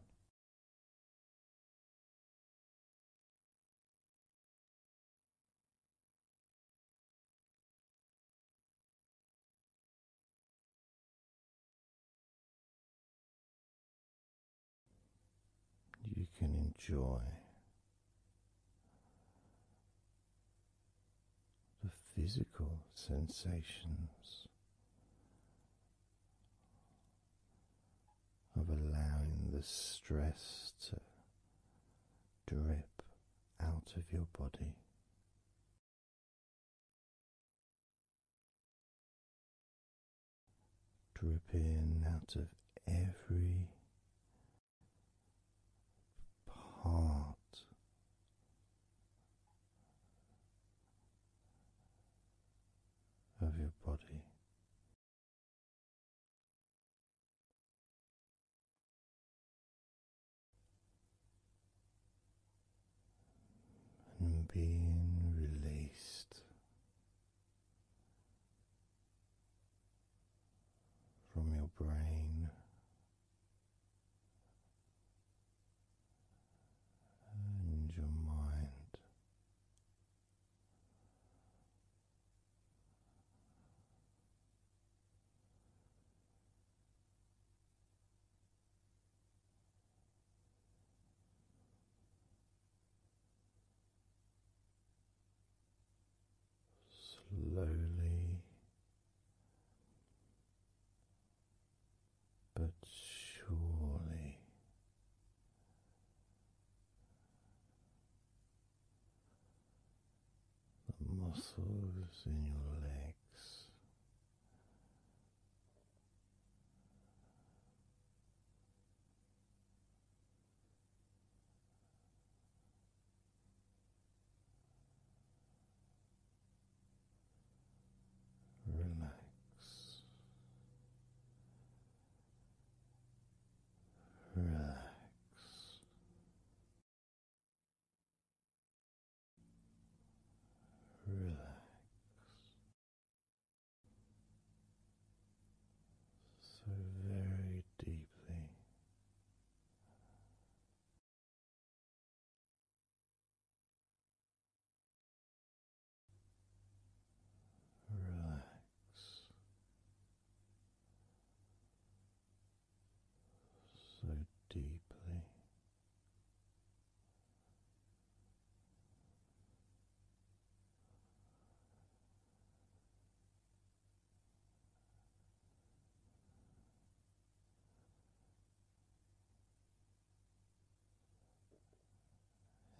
You can enjoy the physical sensations of allowing the stress to drip out of your body. Dripping out of every part of your body. And being released from your brain and your mind. Slowly but surely. The muscles in your legs Relax, relax. Relax. So very deeply Relax. So deeply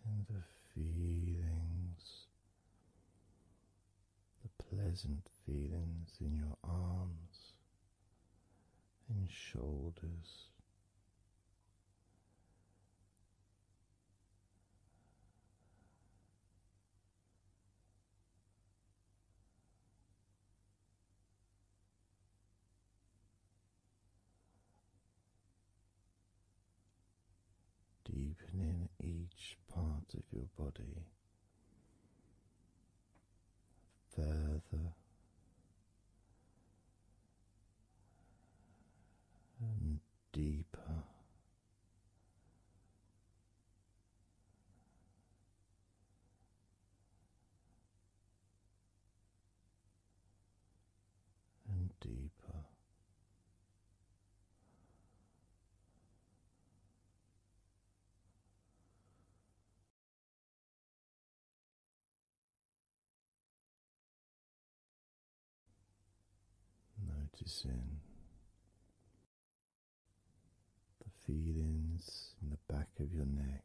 and the feelings, the pleasant feelings in your arms and shoulders deepening each part of your body further and deeper and deeper. Noticing the feelings in the back of your neck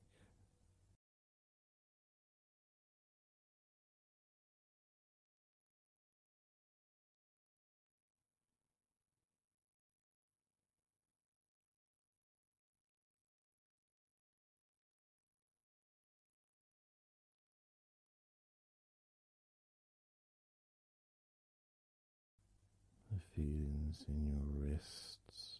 the feelings in your wrists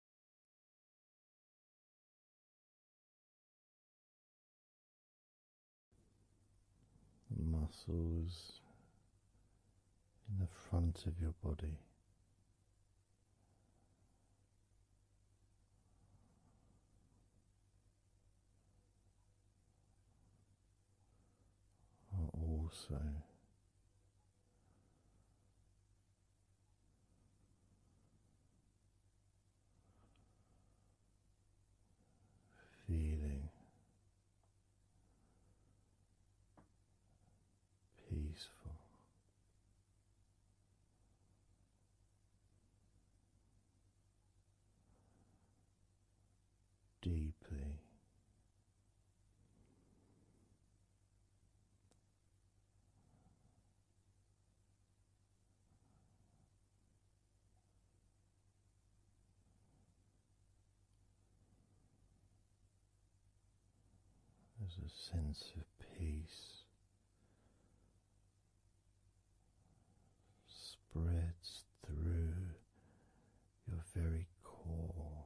muscles in the front of your body. Are also feeling peaceful. Deeply there's a sense of peace spreads through your very core.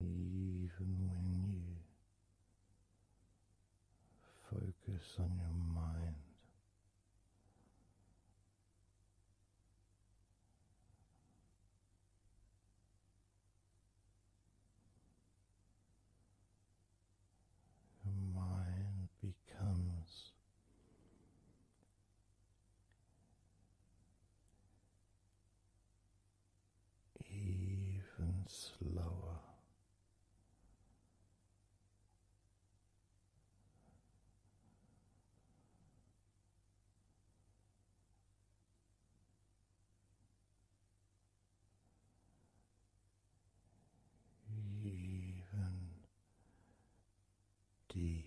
Even when you focus on your mind, your mind becomes even slower. Even deeper.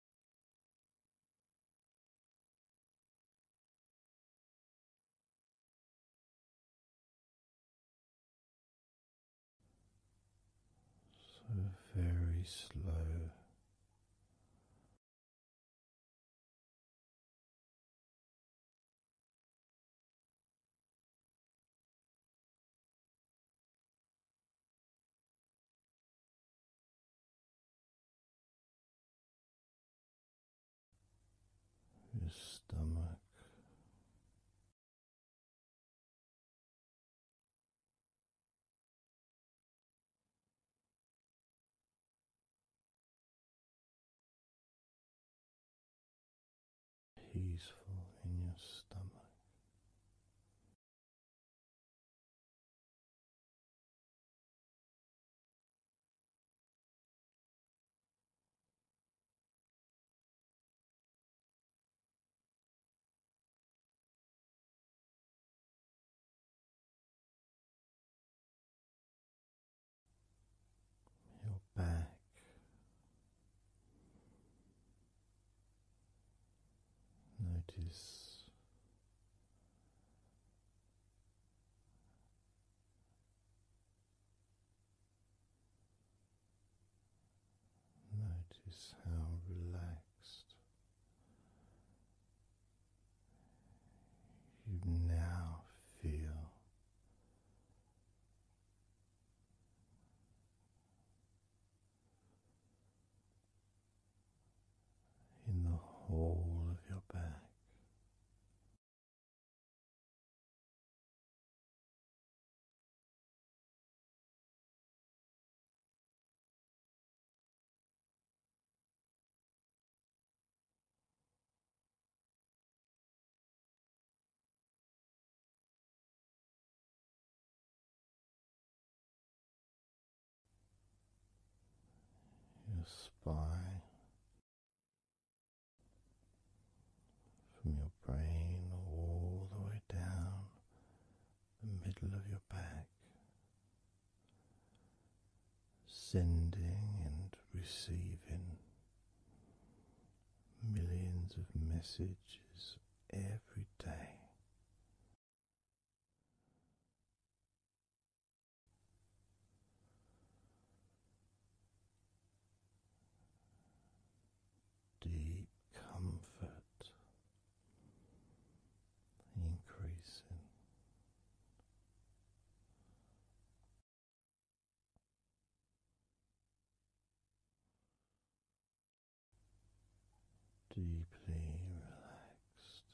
So very slow your stomach. Peaceful in your stomach, your back. Notice Notice how relaxed you now feel in the whole of your back your spine, from your brain all the way down the middle of your back, sending and receiving millions of messages every day. Deep comfort increasing. Deeply relaxed,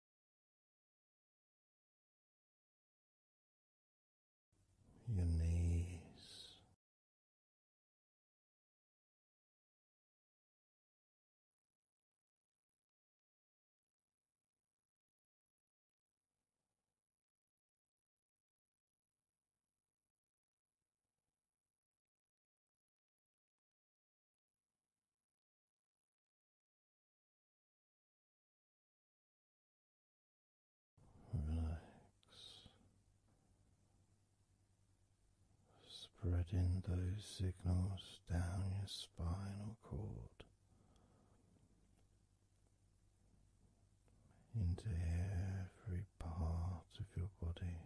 your knees, Relax, spreading those signals down your spinal cord into every part of your body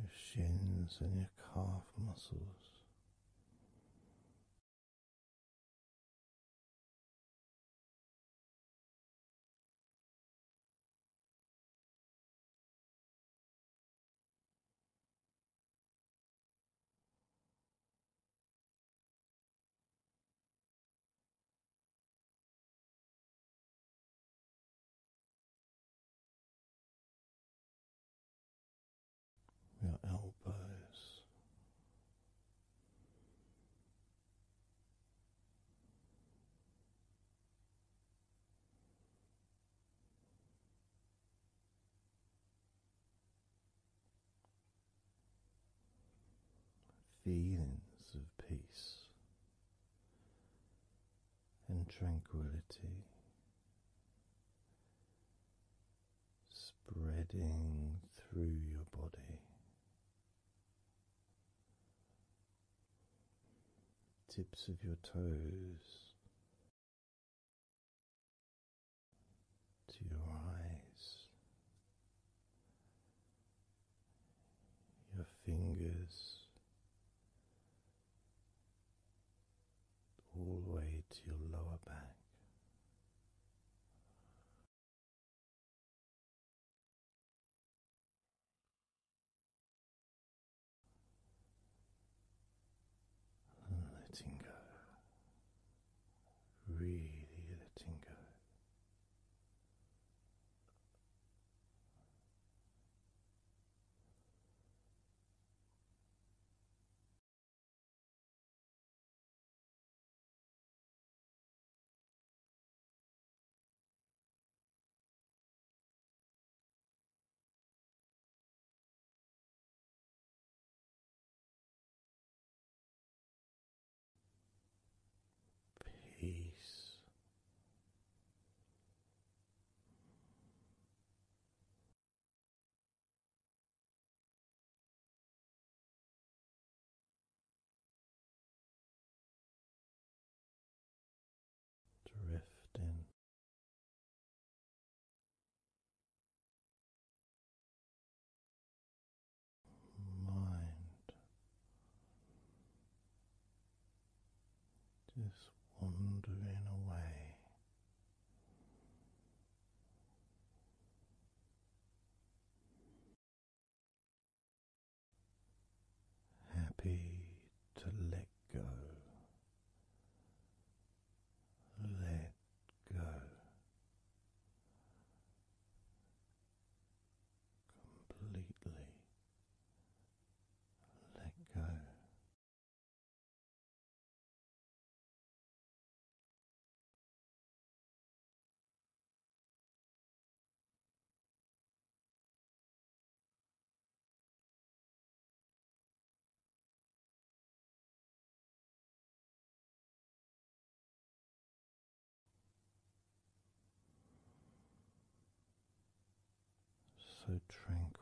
your shins and your calf muscles. Your elbows, feelings of peace and tranquility spreading through your body. Tips of your toes to your eyes, your fingers, all the way to your lower back. letting go really letting go. Peace. Drifting mind just wandering away. Happy to let go, let go. Completely let go so tranquil.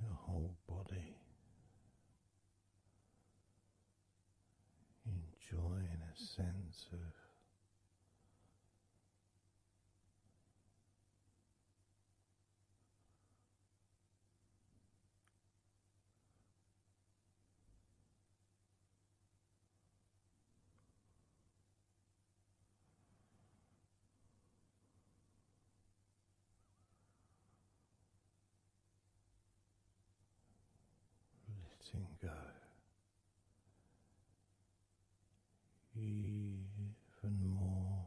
Your whole body enjoying a sense of Letting go even more.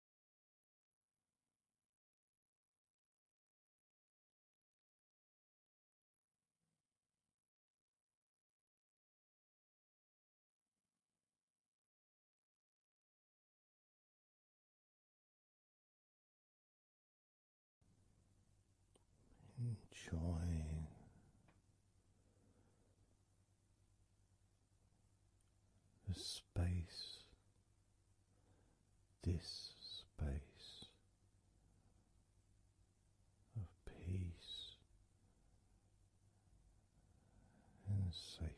Enjoying the space this space of peace and safety.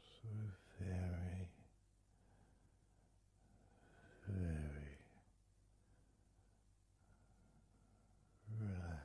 So very, very relaxed.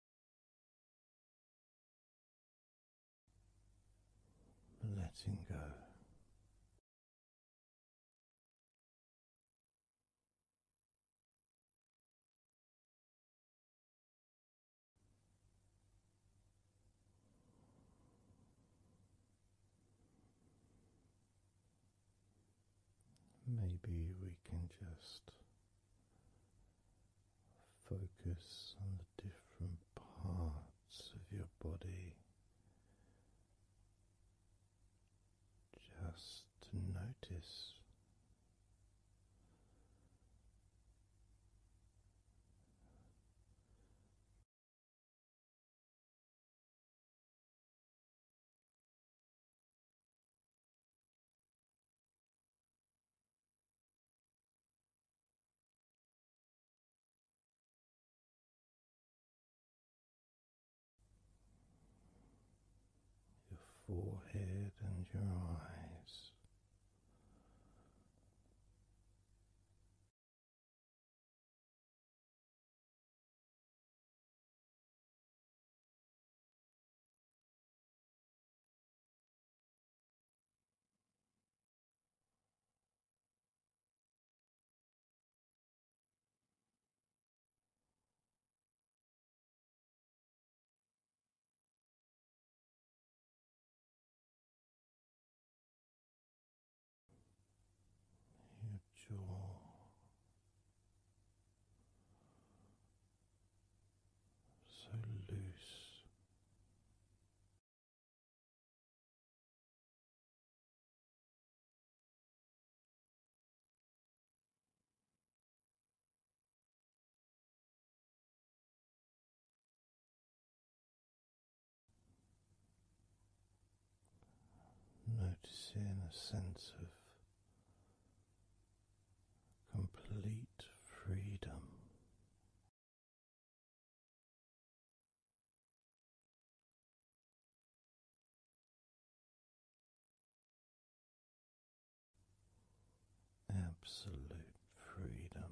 letting go. Maybe we can just Focus on the different parts of your body just to notice your forehead and your eyes. Your jaw. So loose Noticing a sense of complete freedom Absolute freedom.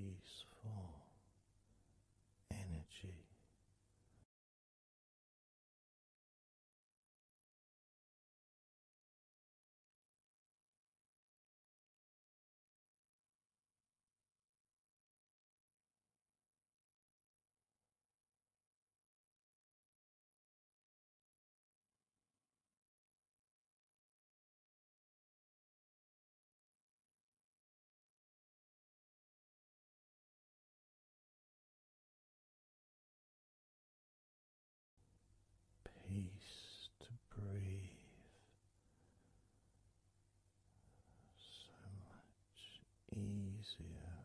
Peaceful energy. Peace to breathe. So much easier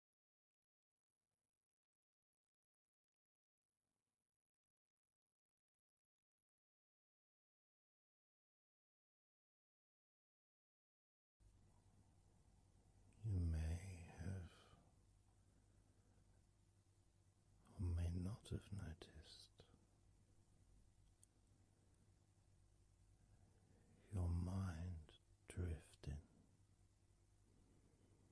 You may have or may not have noticed your mind drifting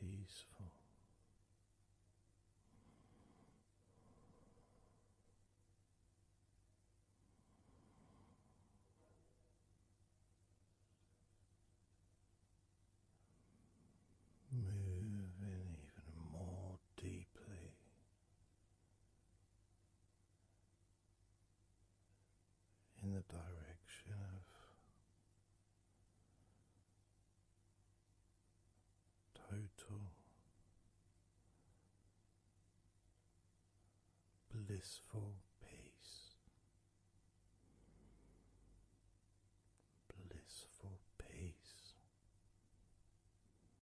Peaceful. Moving even more deeply in the direction of total blissful peace. Blissful peace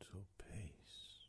Total peace.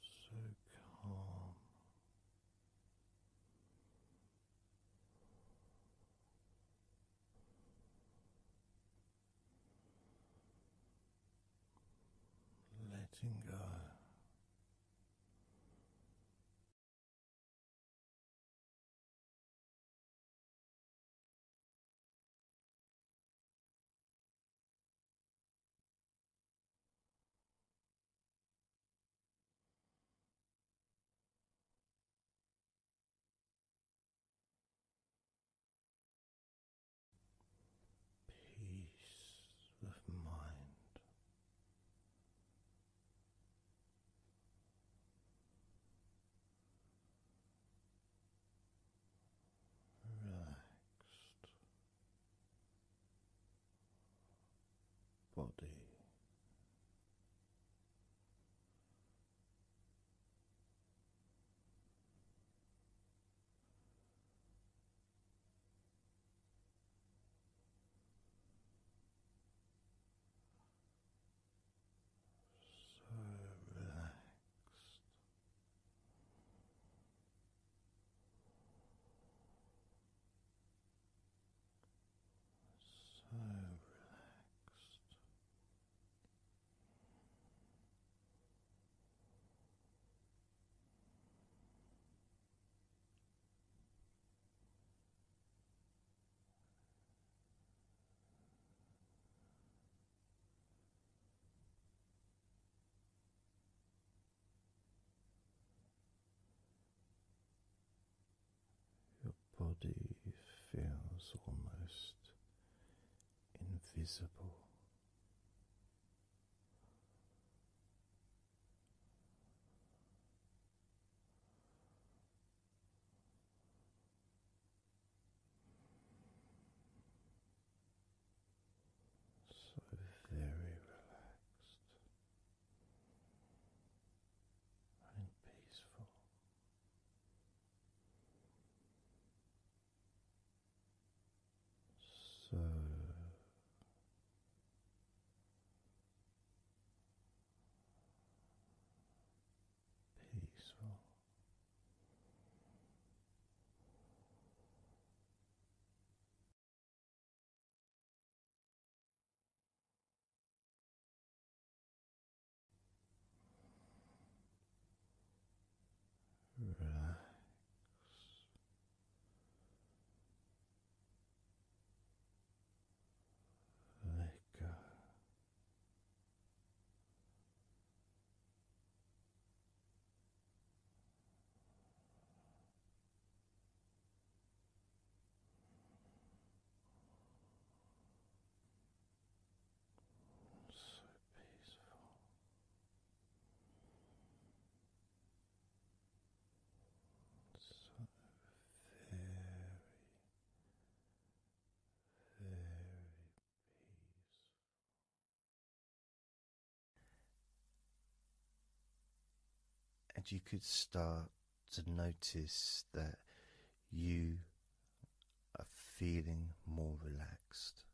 so calm. Letting go. Peace of mind relaxed body. So relaxed. So relaxed. Your body feels almost invisible so very relaxed and peaceful. So peaceful, Relax. Let go. So peaceful. So very, very peaceful. And you could start to notice that you are feeling more relaxed.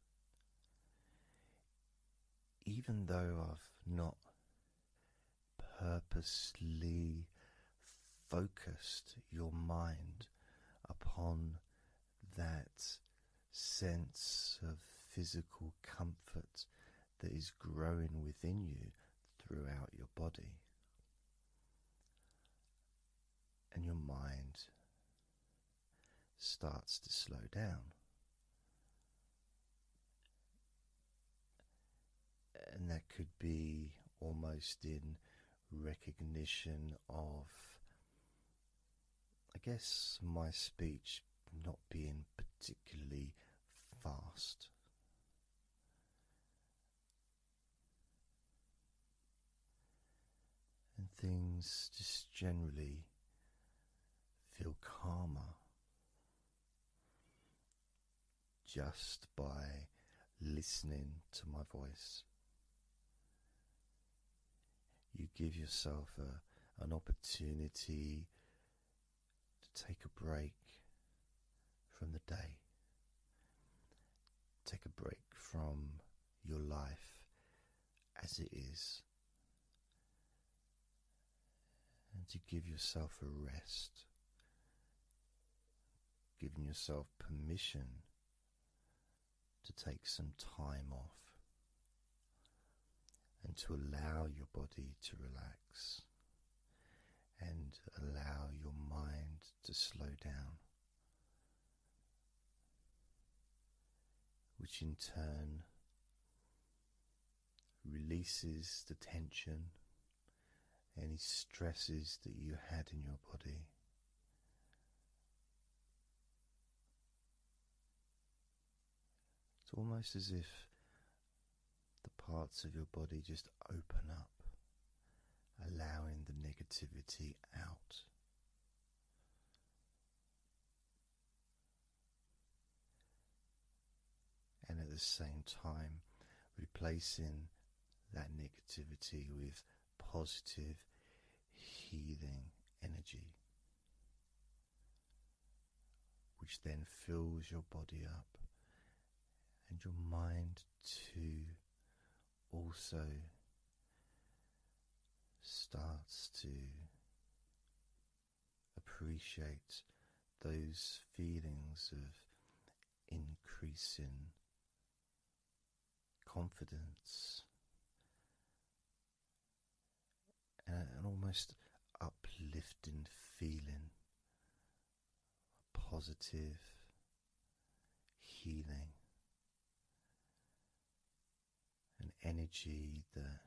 Even though I've not purposely focused your mind upon that sense of physical comfort that is growing within you throughout your body and your mind starts to slow down. And that could be almost in recognition of I guess my speech not being particularly fast. And things just generally feel calmer just by listening to my voice you give yourself an opportunity to take a break from the day, take a break from your life as it is, and to give yourself a rest, giving yourself permission to take some time off and to allow your body to relax and allow your mind to slow down, which in turn releases the tension, any stresses that you had in your body. It's almost as if the parts of your body just open up, allowing the negativity out. And at the same time, replacing that negativity with positive healing energy which then fills your body up and your mind too also starts to appreciate those feelings of increasing confidence an almost uplifting feeling, positive healing, an energy that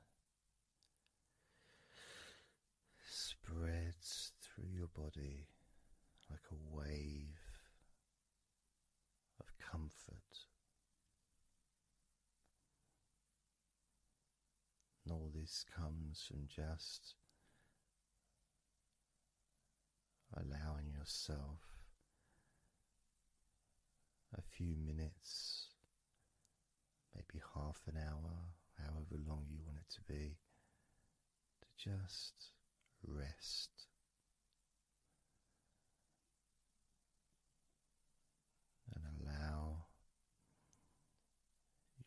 spreads through your body like a wave of comfort. And all this comes from just allowing yourself a few minutes, maybe half an hour, however long you want it to be, to just rest and allow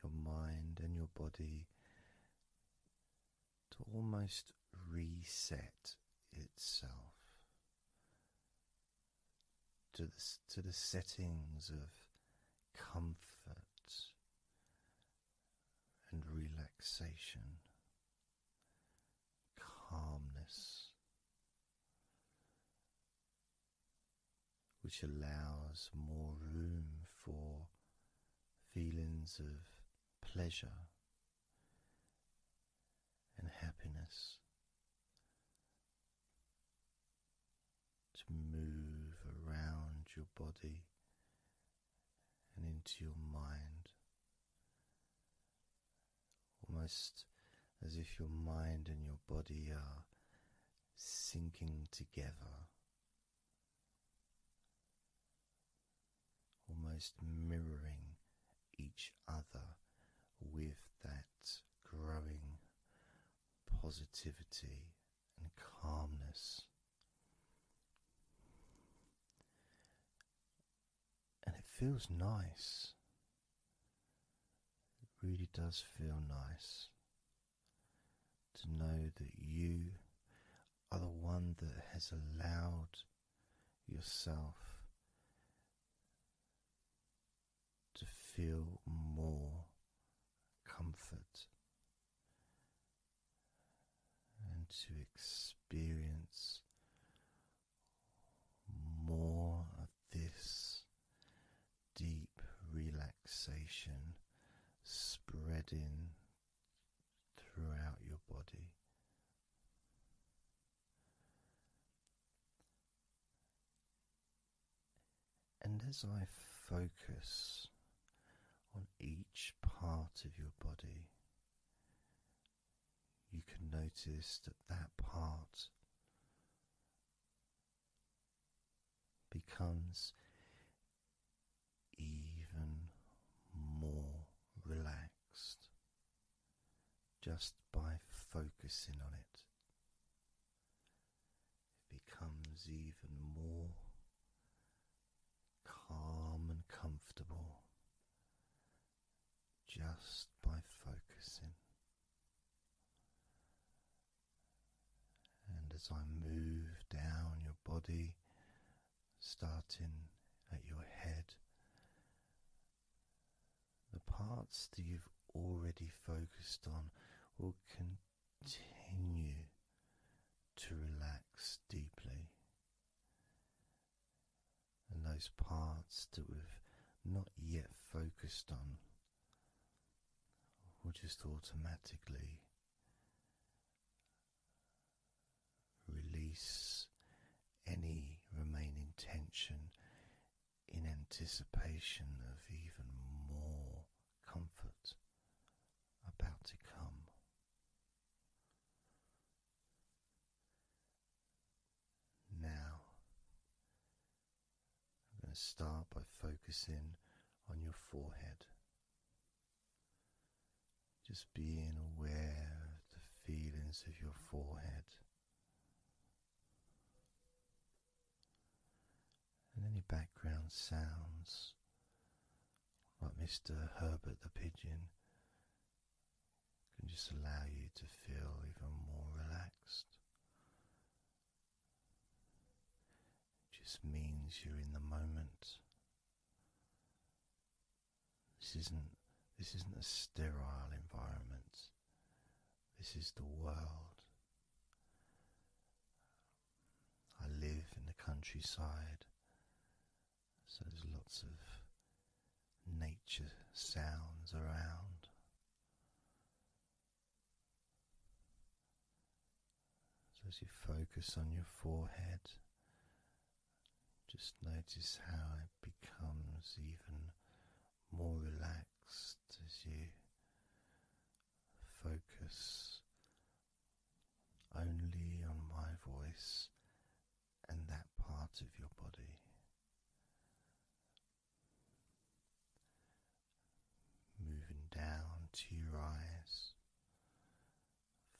your mind and your body to almost reset itself to the, to the settings of comfort and relaxation, calmness which allows more room for feelings of pleasure and happiness to move around your body and into your mind almost as if your mind and your body are sinking together, almost mirroring each other with that growing positivity and calmness and it feels nice. It really does feel nice to know that you are the one that has allowed yourself to feel more comfort and to experience more of this deep relaxation spreading throughout your body. And as I focus on each part of your body, you can notice that that part becomes even more relaxed just by focusing on it. It becomes even more calm and comfortable just by focusing and as I move down your body, starting at your head, the parts that you've already focused on will continue to relax deeply. And those parts that we've not yet focused on will just automatically release any remaining tension in anticipation of even more comfort about to come. Now I'm going to start by focusing on your forehead. Just being aware of the feelings of your forehead. And any background sounds, like Mr. Herbert the Pigeon, can just allow you to feel even more relaxed it just means you're in the moment. This isn't this isn't a sterile environment. This is the world. I live in the countryside, so there's lots of nature sounds around. So as you focus on your forehead, just notice how it becomes even more relaxed as you focus only on my voice and that part of your body. Moving down to your eyes,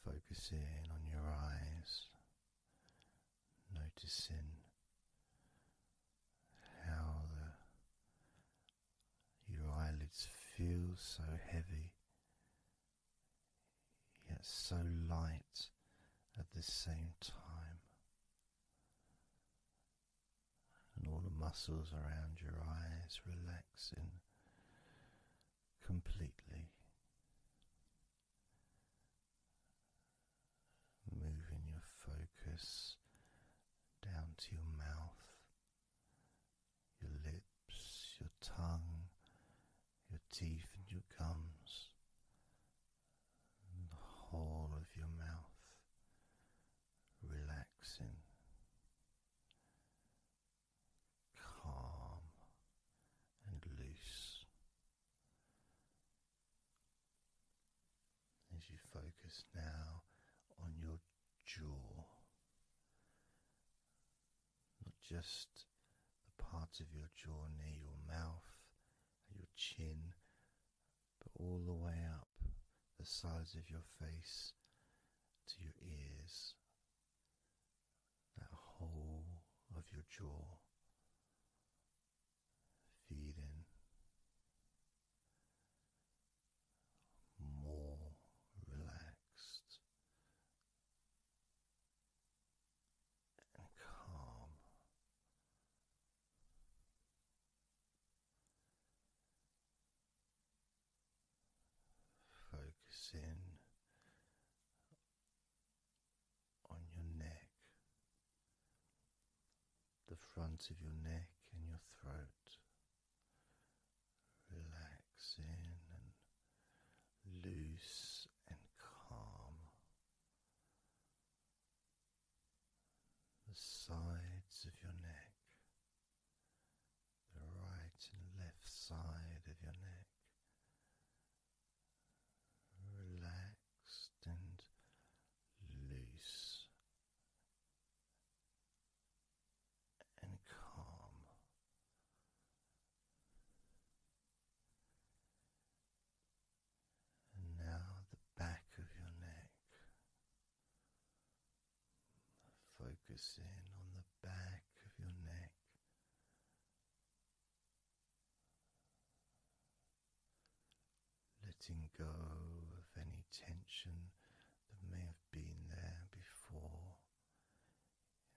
focusing on your eyes, noticing how your eyelids feel so heavy yet so light at the same time and all the muscles around your eyes relaxing completely, moving your focus down to your mouth, your lips, your tongue, your teeth, and your gums the whole of your mouth relaxing, calm and loose as you focus now on your jaw. Not just the parts of your jaw near your mouth your chin, but all the way up the sides of your face to your ears, that whole of your jaw. Feed more relaxed and calm. Focusing on your neck, the front of your neck and your throat, relaxing and loose and calm the sides of your neck, the right and left side of your neck, relaxed and loose and calm. And now the back of your neck, Focusing on the back of your neck, letting go of any tension that may have been there before,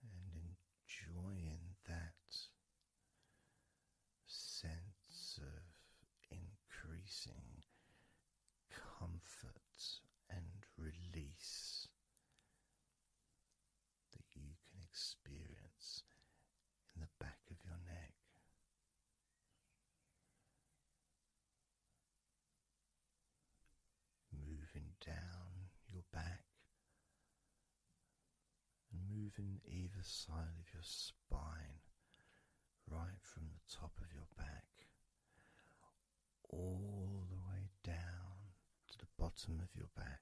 and enjoying that sense of increasing comfort and release that you can experience in the back of your neck. Moving down your back and moving either side of your spine right from the top of your back all the way down to the bottom of your back.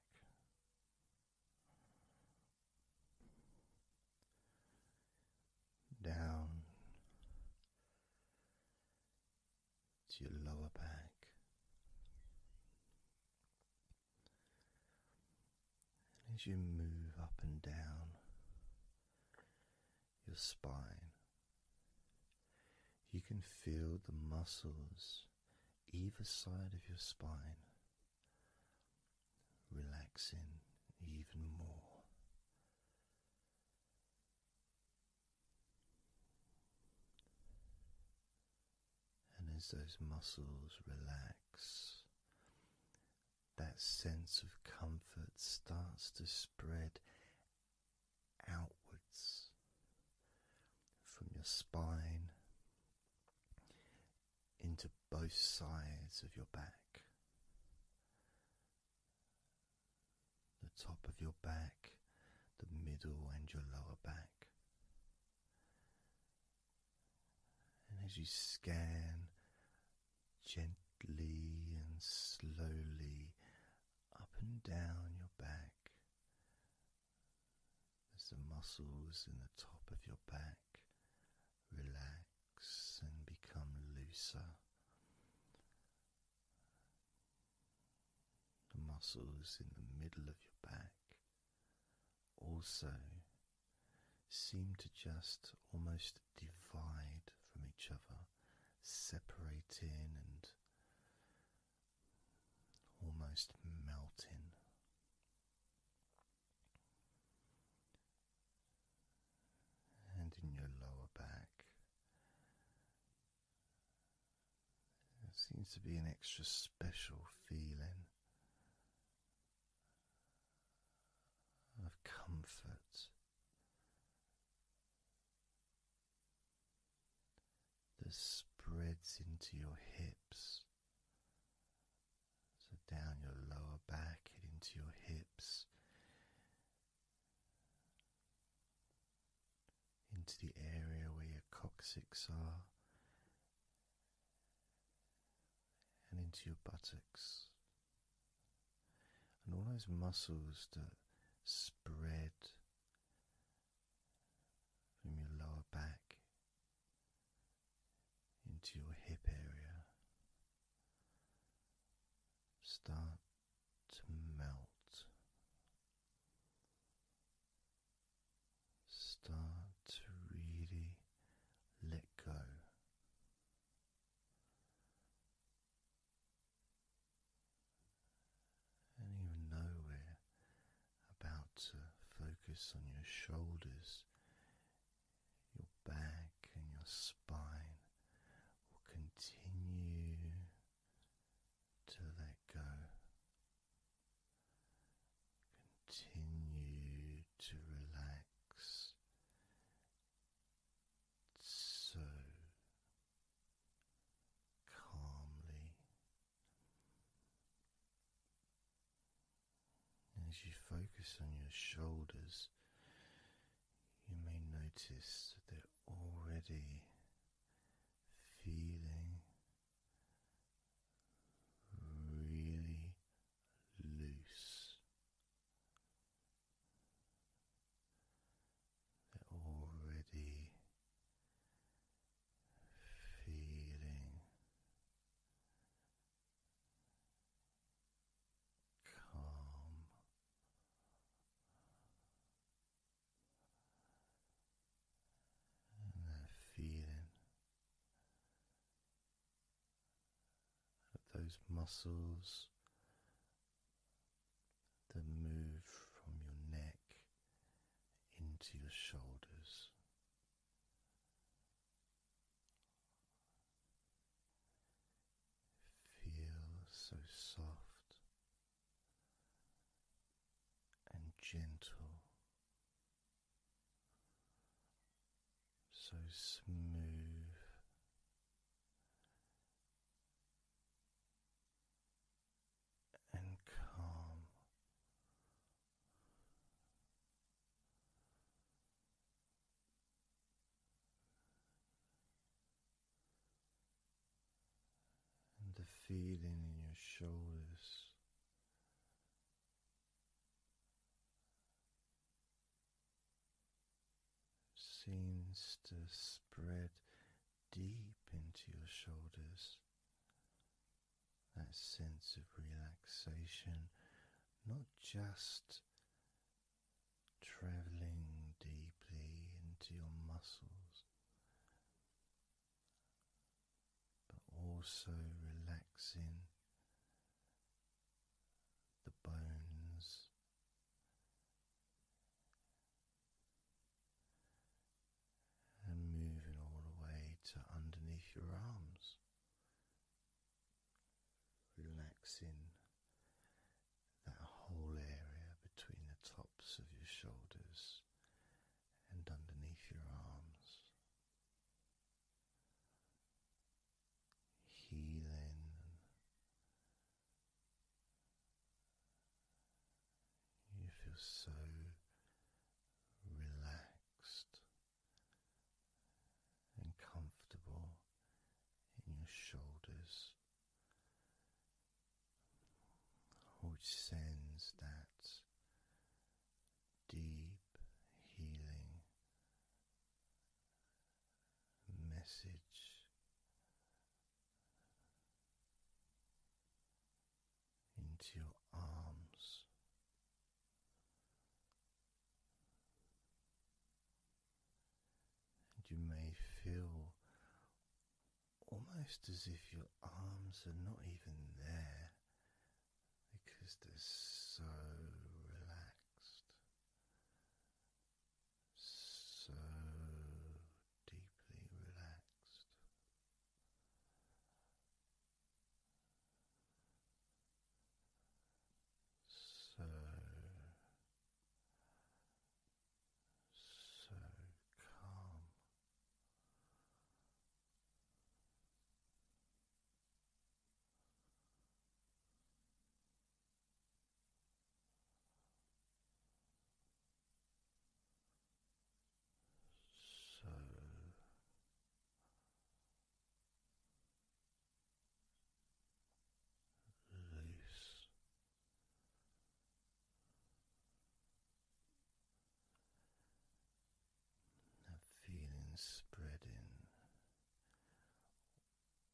Down to your lower back, and as you move up and down, your spine. You can feel the muscles either side of your spine relaxing even more. And as those muscles relax, that sense of comfort starts to spread outwards from your spine into both sides of your back. The top of your back, the middle, and your lower back. And as you scan gently and slowly up and down your back. As the muscles in the top of your back relax and become looser, the muscles in the middle of your back also seem to just almost divide from each other, separating and almost melting. And in your lower back, there seems to be an extra special feeling of comfort that spreads into your hips. So down your lower back into your hips, into the area where your coccyx are, and into your buttocks and all those muscles that spread from your lower back into your hip area start to melt, start to really let go. And even though we're about to focus on your shoulders, your back and your spine will continue to let go. Continue to relax so calmly as you focus on your shoulders. You may notice that they're already feeling really loose they're already feeling calm. And that feeling of those muscles that move from your neck into your shoulders. Feel so soft and gentle, so smooth and calm. And the feeling in your shoulders seems to spread deep into your shoulders. That sense of relaxation, not just traveling deeply into your muscles, but also relaxing the bones and moving all the way to underneath your arms, relaxing that whole area between the tops of your shoulders and underneath your arms. Healing you feel so relaxed and comfortable in your shoulders, which sends that deep healing message into your arms. And you may feel almost as if your arms are not even there because they're so relaxed so deeply relaxed. So, so calm. So release that feeling spreading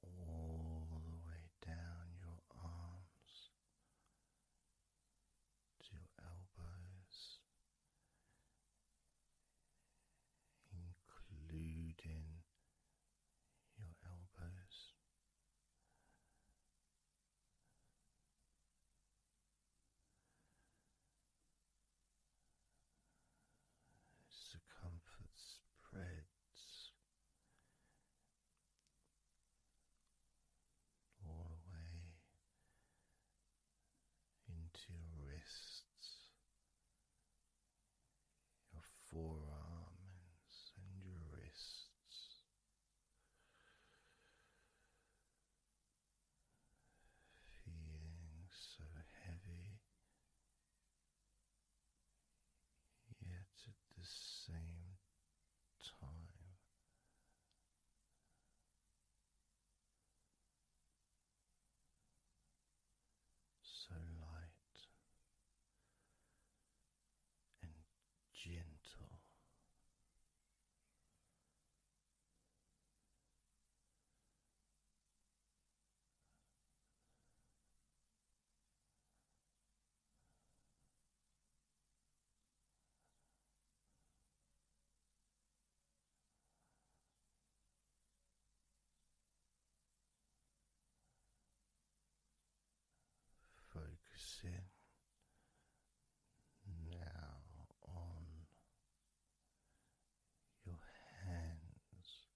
all the way down your arms to your elbows, including your elbows. Circumference spreads all the way into your wrists, your forearms, and your wrists. Feeling so heavy yet at the same time so light and gentle. Focusing now on your hands,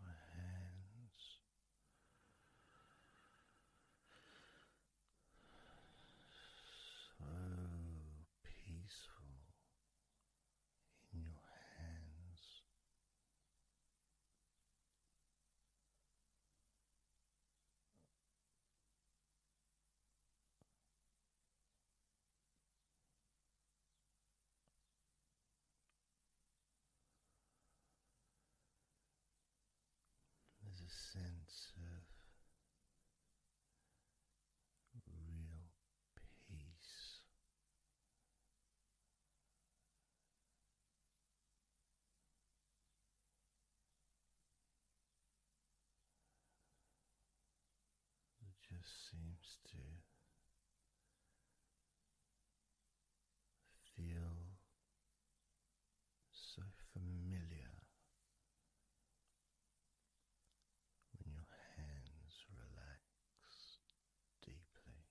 your hands so peaceful in your hands. There's a sense of real peace. It just seems to feel so familiar when your hands relax deeply. feels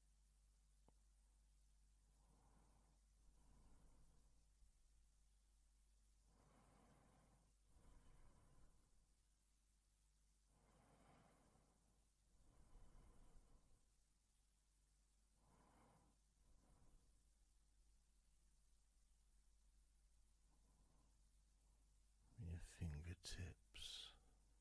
your fingertips.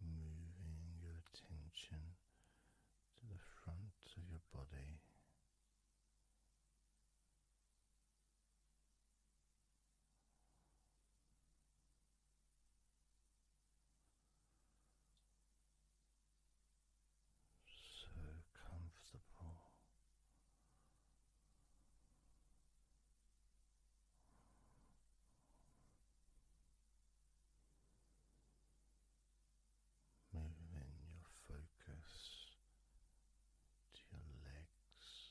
moving your attention to the front of your body. So comfortable. Moving your focus to your legs.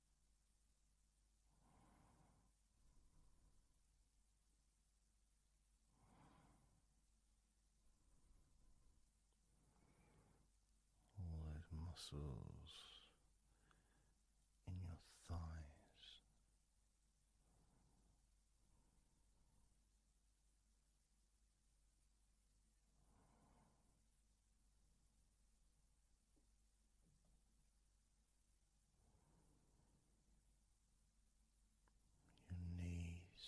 all those muscles in your thighs your knees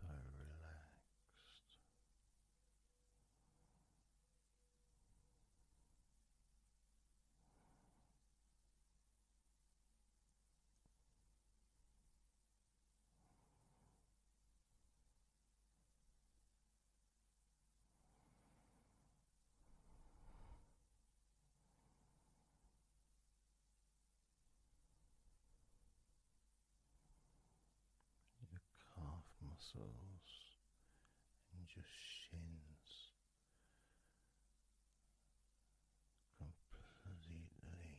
so relaxed. Your calf muscles and your shins completely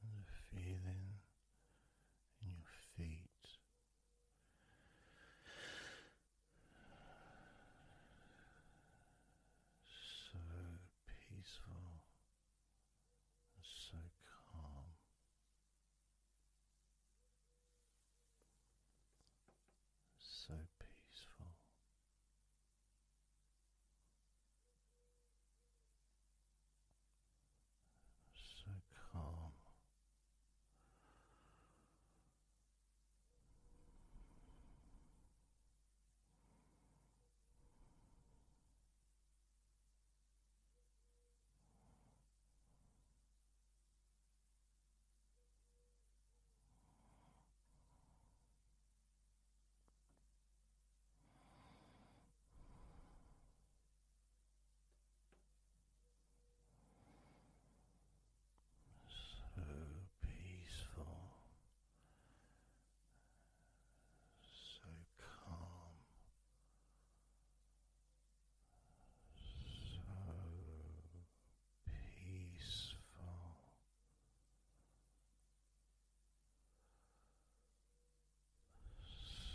the feeling in your feet. So peaceful so calm so peaceful. So calm, so peaceful, so calm so peaceful.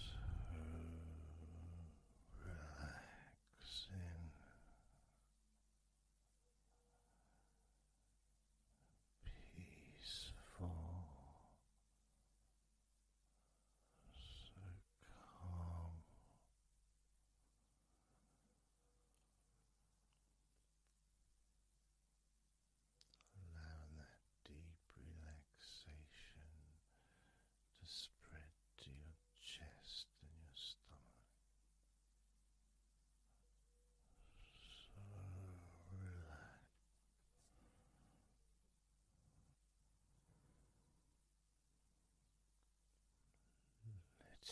So relaxing, peaceful, so calm. Allowing that deep relaxation to spread to your chest and your stomach. So relaxed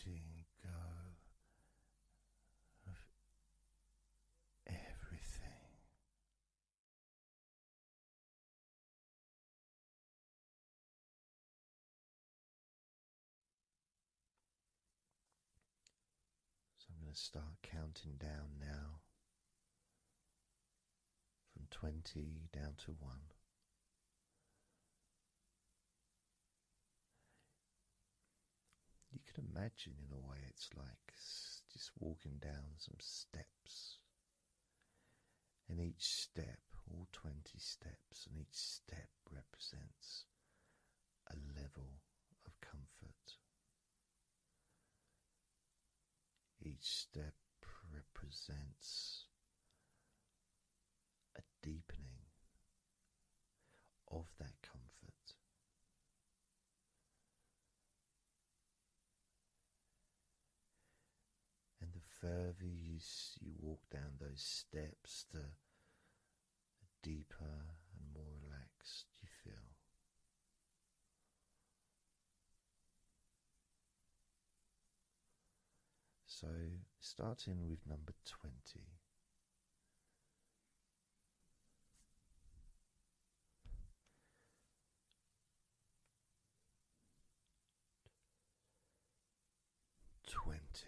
letting go of everything. So I'm going to start counting down now from 20 down to 1. You can imagine, in a way, it's like just walking down some steps. And each step, all 20 steps, and each step represents a level of comfort. Each step represents a deepening of that comfort. And the further you, walk down those steps, the deeper and more relaxed you feel. So, starting with number 20. Twenty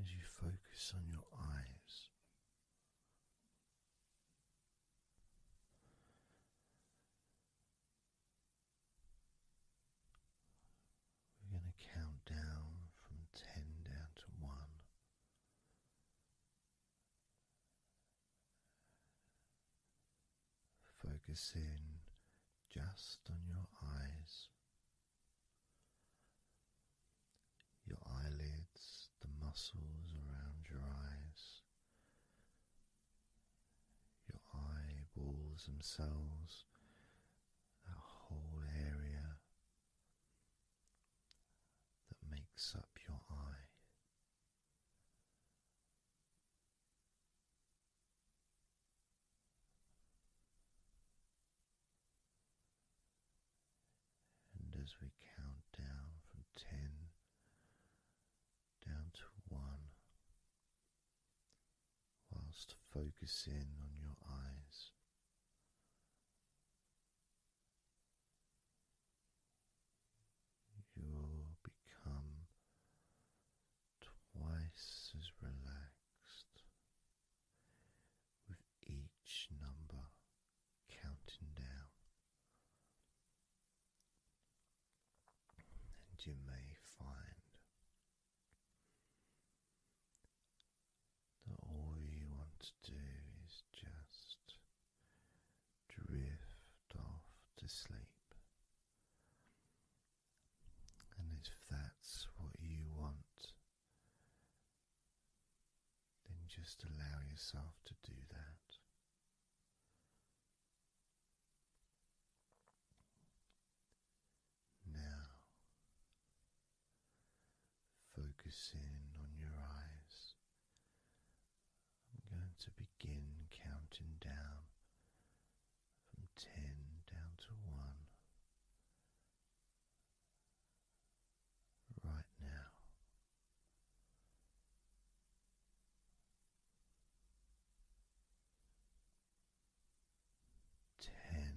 as you focus on your eyes. We're going to count down from ten down to one. Focus in just on your eyes your eyelids, the muscles around your eyes, your eyeballs themselves, that whole area that makes up your eye. And as we count down from ten down to one, whilst focusing on your eyes. You'll become twice as relaxed each number counting down. And you may find that all you want to do is just drift off to sleep. And if that's what you want, then just allow yourself to do that. Now, focusing on your eyes, I'm going to begin counting down from ten down to one right now. Ten.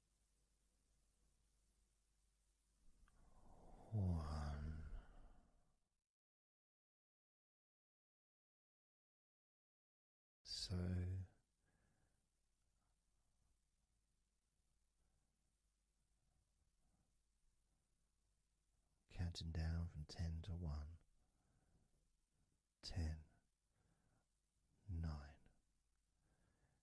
One. So counting down from ten to one, ten, nine,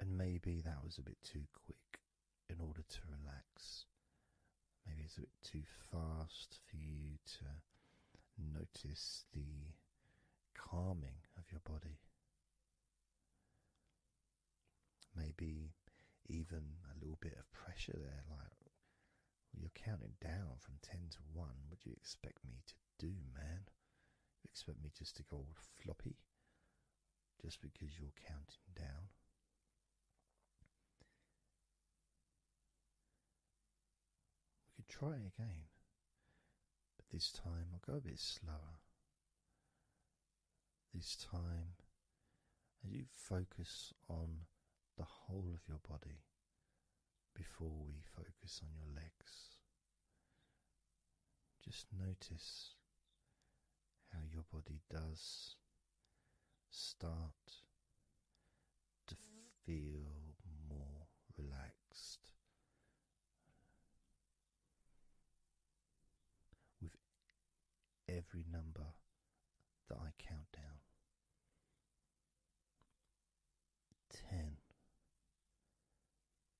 and maybe that was a bit too quick in order to relax. Maybe it's a bit too fast for you to notice the calming of your body. Maybe even a little bit of pressure there, like you're counting down from 10 to 1. What do you expect me to do, man? You expect me just to go all floppy? just because you're counting down. We could try it again, but this time I'll go a bit slower. This time, as you focus on the whole of your body before we focus on your legs. Just notice how your body does start to feel more relaxed with every number that I count down. Ten,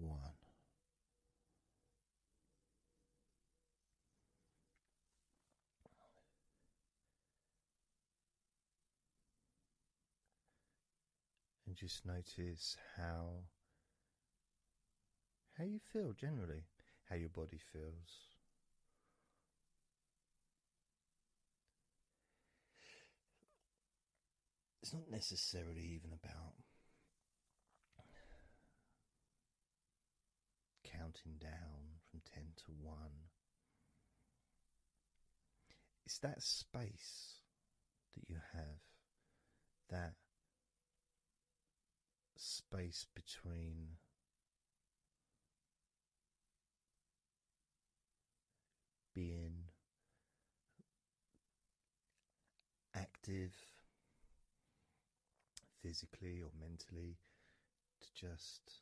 One. And just notice how how you feel generally, how your body feels, it's not necessarily even about counting down from 10 to 1. It's that space that you have, that space between being active physically or mentally to just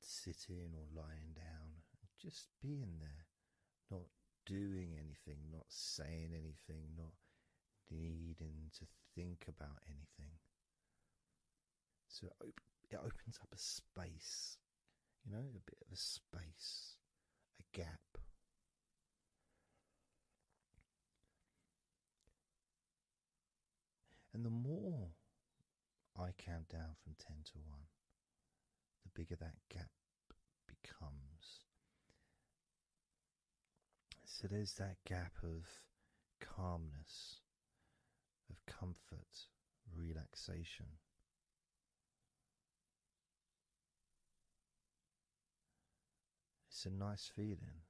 sitting or lying down just being there not doing anything not saying anything not needing to think about anything. So it, it opens up a space, you know, a bit of a space, a gap. And the more I count down from 10 to 1, the bigger that gap becomes. So there's that gap of calmness, of comfort, relaxation. It's a nice feeling.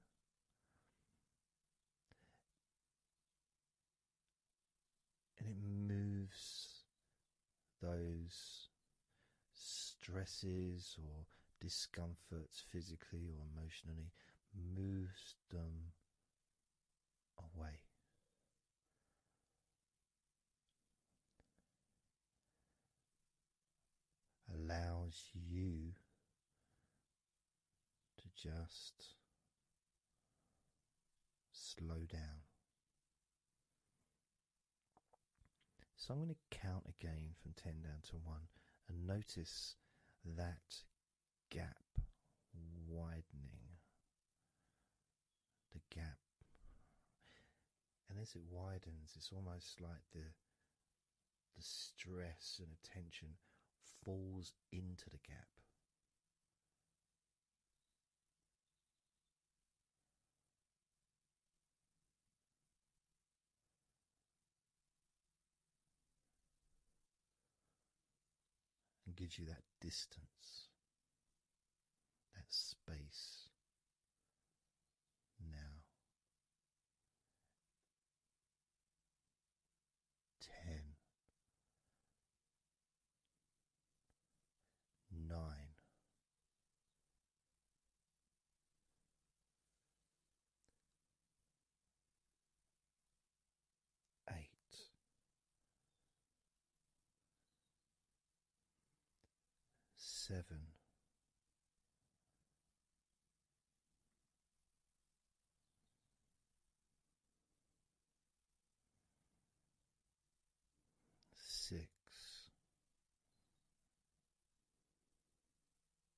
And it moves those stresses or discomforts physically or emotionally, moves them away. Allows you to just slow down so I'm going to count again from 10 down to 1 and notice that gap widening. The gap. And as it widens, it's almost like the the stress and attention falls into the gap and gives you that distance, that space now. Ten, nine, eight seven six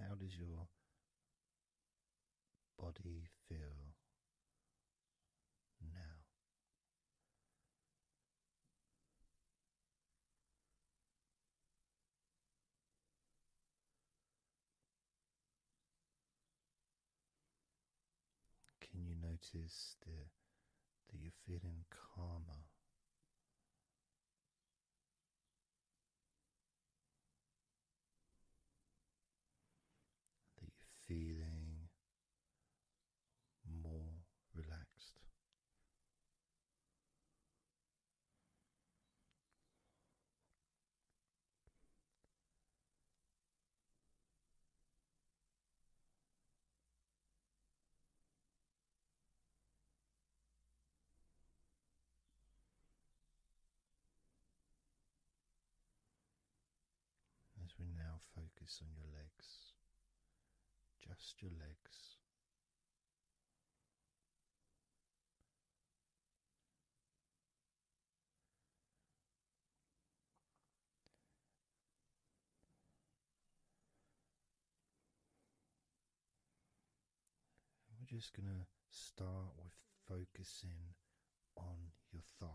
how does your body feel now? Can you notice that, you're feeling calmer? That you're feeling more relaxed. As we now focus on your legs, just your legs. We're just going to start with focusing on your thighs.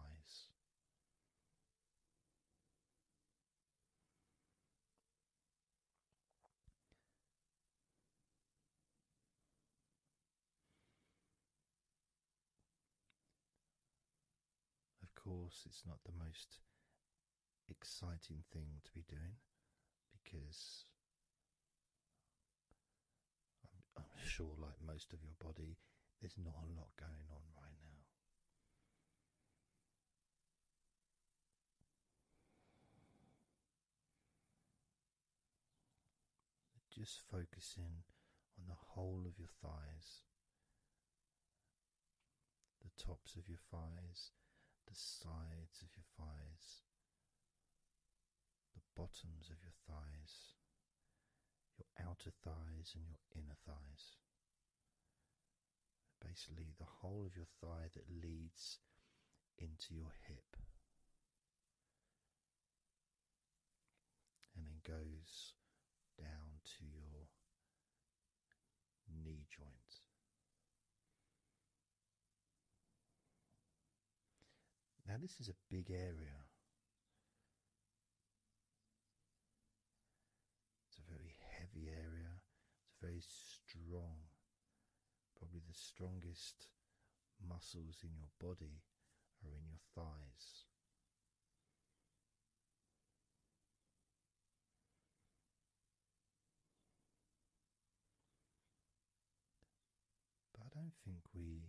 Of course, it's not the most exciting thing to be doing because I'm, sure, like most of your body, there's not a lot going on right now just focusing on the whole of your thighs, the tops of your thighs, the sides of your thighs, the bottoms of your thighs, your outer thighs, and your inner thighs. Basically, the whole of your thigh that leads into your hip and then goes down to your knee joint. Now, this is a big area. It's a very heavy area. It's very strong. Probably the strongest muscles in your body are in your thighs. But I don't think we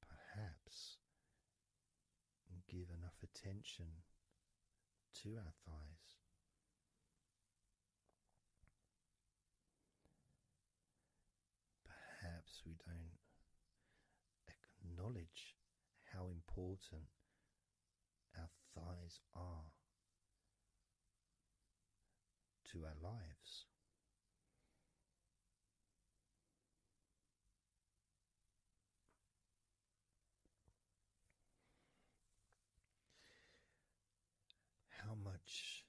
perhaps give enough attention to our thighs perhaps we don't acknowledge how important our thighs are to our lives. How much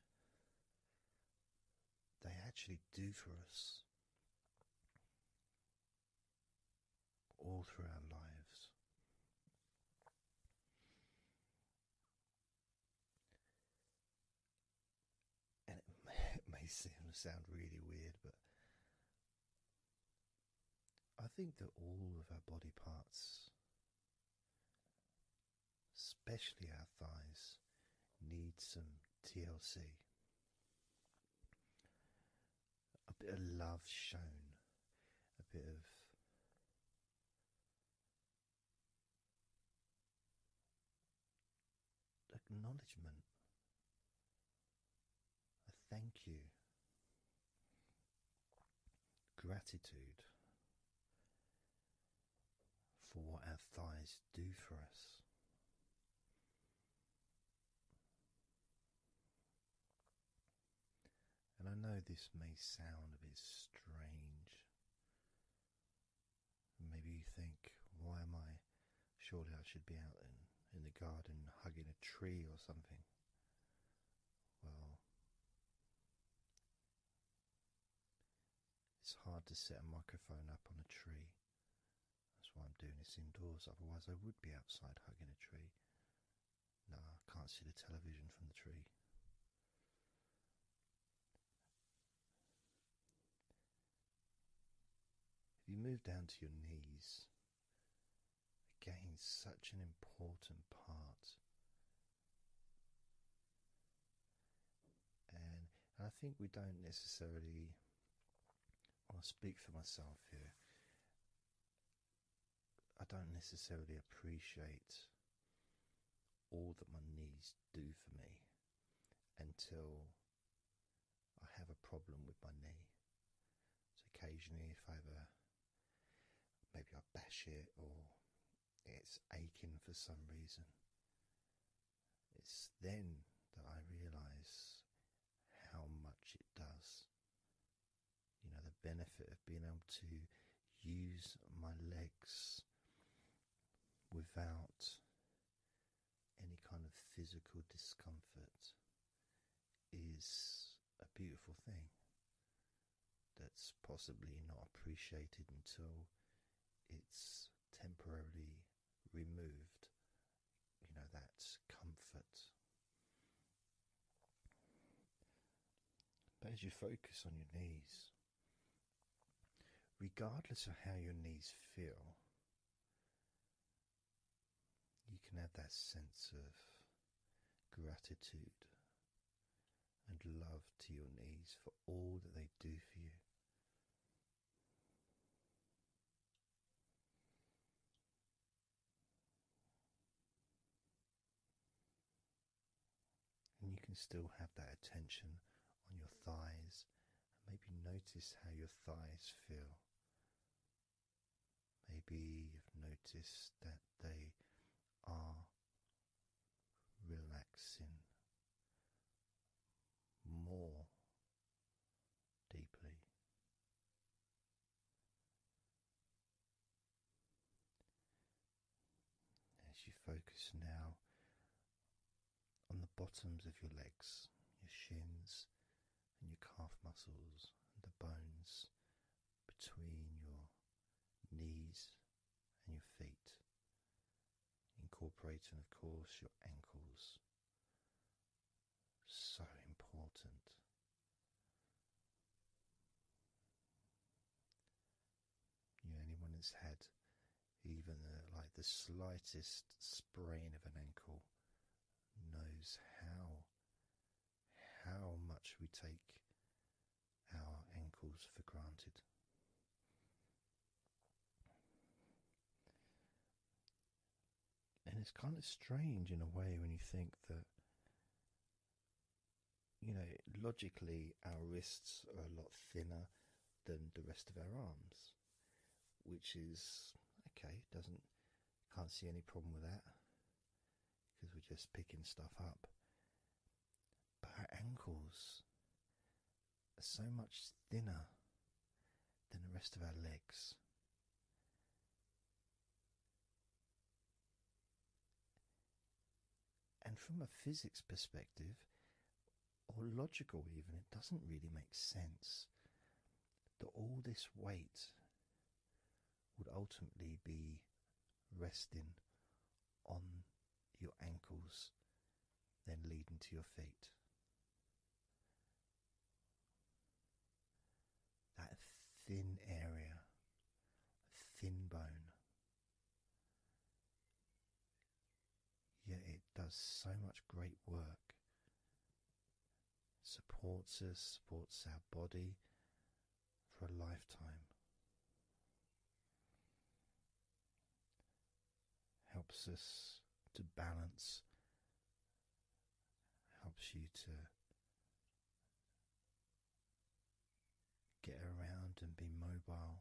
they actually do for us all through our lives. And it [LAUGHS] may, it may sound really weird, but I think that all of our body parts, especially our thighs, need some TLC a bit of love shown, a bit of acknowledgement, a thank you, gratitude for what our thighs do for us. And I know this may sound a bit strange. Maybe you think, why am I? Surely I should be out in, in the garden hugging a tree or something. Well, it's hard to set a microphone up on a tree. That's why I'm doing this indoors, otherwise, I would be outside hugging a tree. No, I can't see the television from the tree. If you move down to your knees, again, such an important part. And, and I think we don't necessarily I'll speak for myself here. I don't necessarily appreciate all that my knees do for me until I have a problem with my knee. So occasionally, if I have a maybe I bash it or it's aching for some reason, it's then that I realize how much it does. You know, the benefit of being able to use my legs without any kind of physical discomfort is a beautiful thing that's possibly not appreciated until it's temporarily removed, you know, that comfort. But as you focus on your knees, regardless of how your knees feel, you can have that sense of gratitude and love to your knees for all that they do for you and you can still have that attention on your thighs and maybe notice how your thighs feel. Maybe you've noticed that they are relaxing more deeply. As you focus now on the bottoms of your legs, your shins, and your calf muscles, and the bones between your knees and your feet, incorporating, of course, your ankles so important. You know, anyone who's had even the, uh, like the slightest sprain of an ankle knows how how much we take our ankles for granted and it's kind of strange in a way when you think that you know logically our wrists are a lot thinner than the rest of our arms, which is okay. Doesn't can't see any problem with that because we're just picking stuff up. But our ankles are so much thinner than the rest of our legs. And from a physics perspective, or logical even, it doesn't really make sense that all this weight would ultimately be resting on your ankles, then leading to your feet that thin area, thin bone. Yet it does so much great work. Supports us, supports our body for a lifetime. Helps us to balance helps you to get around and be mobile.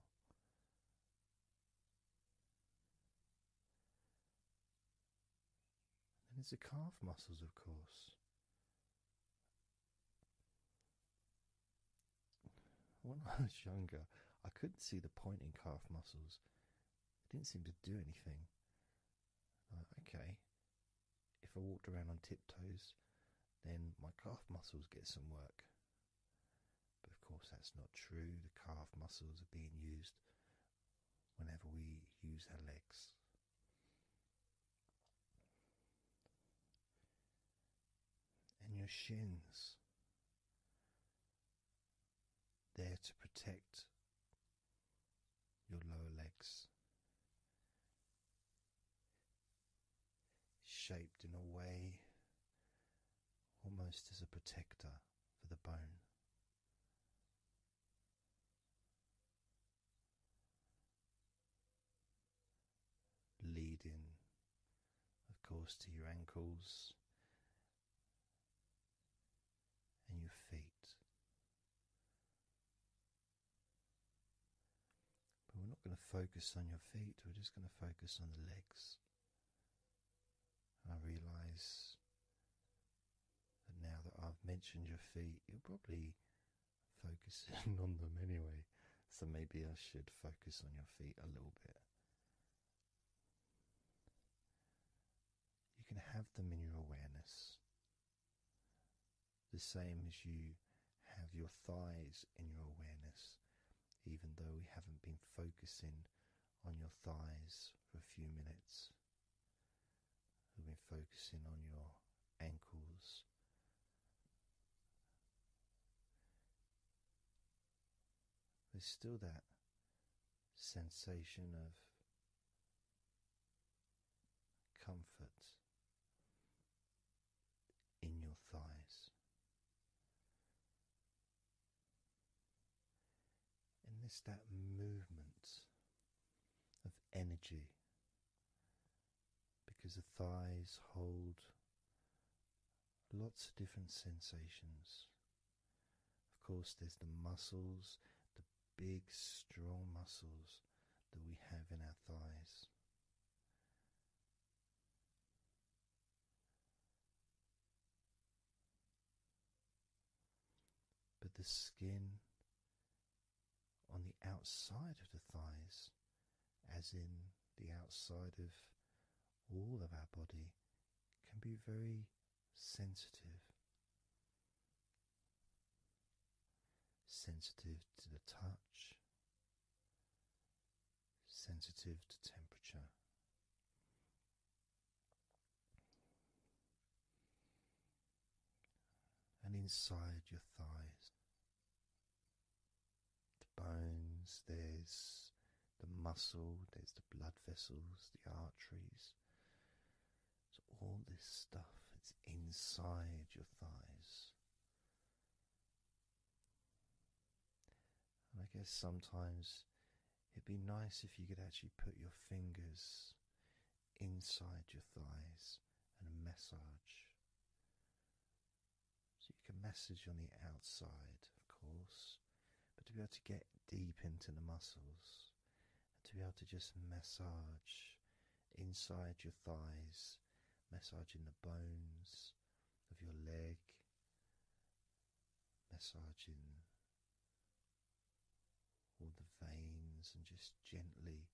And it's the calf muscles, of course. When I was younger, I couldn't see the point in calf muscles. It didn't seem to do anything okay, if I walked around on tiptoes, then my calf muscles get some work. But of course, that's not true. The calf muscles are being used whenever we use our legs. And your shins there to protect your lower legs, shaped in a way almost as a protector for the bone. Leading, of course, to your ankles and your feet. But we're not going to focus on your feet, we're just going to focus on the legs. And I realize that now that I've mentioned your feet, you're probably focusing [LAUGHS] on them anyway. So maybe I should focus on your feet a little bit. You can have them in your awareness. The same as you have your thighs in your awareness, even though we haven't been focusing on your thighs for a few minutes. We've been focusing on your ankles. There's still that sensation of comfort in your thighs. And this that movement of energy because the thighs hold lots of different sensations of course, there's the muscles, the big strong muscles that we have in our thighs. But the skin on the outside of the thighs, as in the outside of all of our body, can be very sensitive sensitive to the touch, sensitive to temperature. And inside your thighs, the bones, there's the muscle, there's the blood vessels, the arteries, so all this stuff it's inside your thighs. And I guess sometimes it'd be nice if you could actually put your fingers inside your thighs and massage. So you can massage on the outside, of course, but to be able to get deep into the muscles to be able to just massage inside your thighs, massaging the bones of your leg, massaging all the veins, and just gently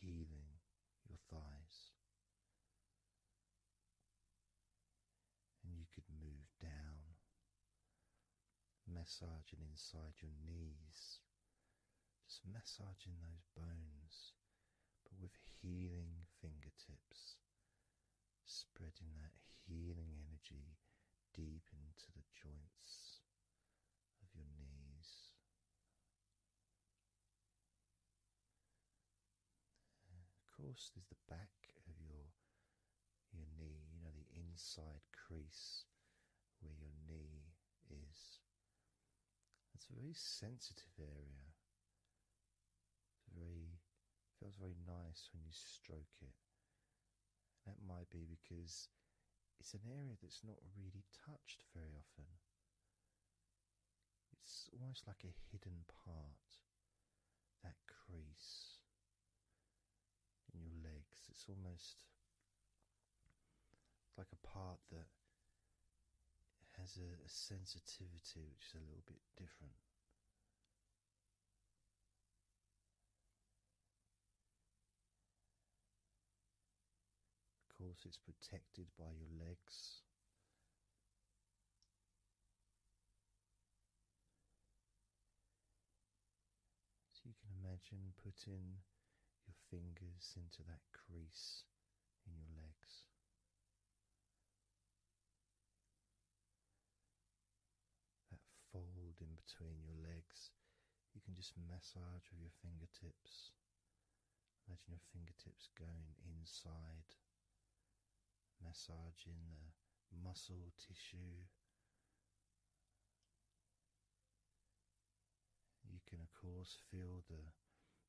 healing your thighs. And you could move down massaging inside your knees, just massaging those bones, but with healing fingertips, spreading that healing energy deep into the joints of your knees. of course, there's the back of your your knee, you know, the inside crease where your knee is. It's a very sensitive area. It's very feels very nice when you stroke it. That might be because it's an area that's not really touched very often. It's almost like a hidden part, that crease your legs. It's almost like a part that has a sensitivity which is a little bit different. Of course, it's protected by your legs. So you can imagine putting your fingers into that crease in your legs. That fold in between your legs, you can just massage with your fingertips. Imagine your fingertips going inside, massaging the muscle tissue you can, of course, feel the,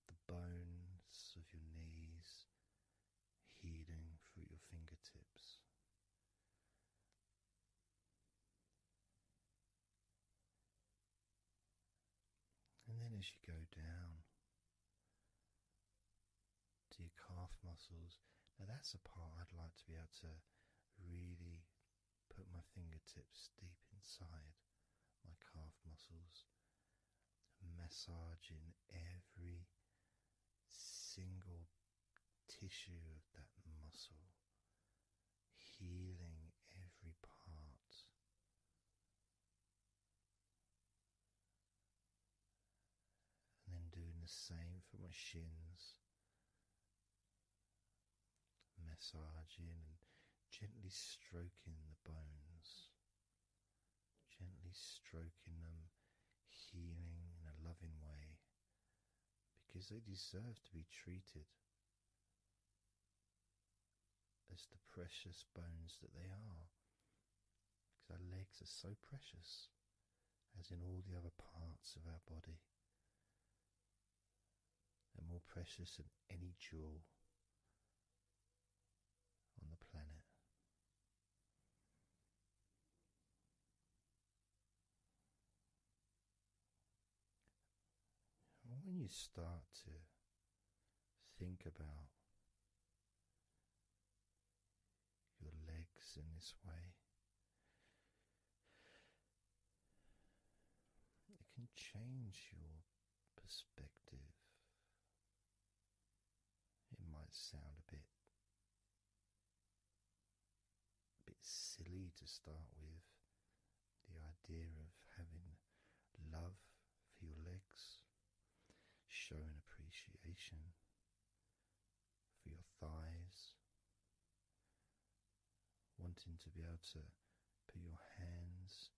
the bones of your knees healing through your fingertips. And then as you go down to your calf muscles, now that's a part I'd like to be able to really put my fingertips deep inside my calf muscles, massaging every single tissue of that muscle, healing every part. And then doing the same for my shins massaging and gently stroking the bones, gently stroking them, healing in a loving way because they deserve to be treated as the precious bones that they are. Because our legs are so precious as in all the other parts of our body, and more precious than any jewel on the planet. when you start to think about your legs in this way, it can change your perspective. It might sound a bit a bit silly to start with, the idea of having love for your legs, showing appreciation for your thighs, wanting to be able to put your hands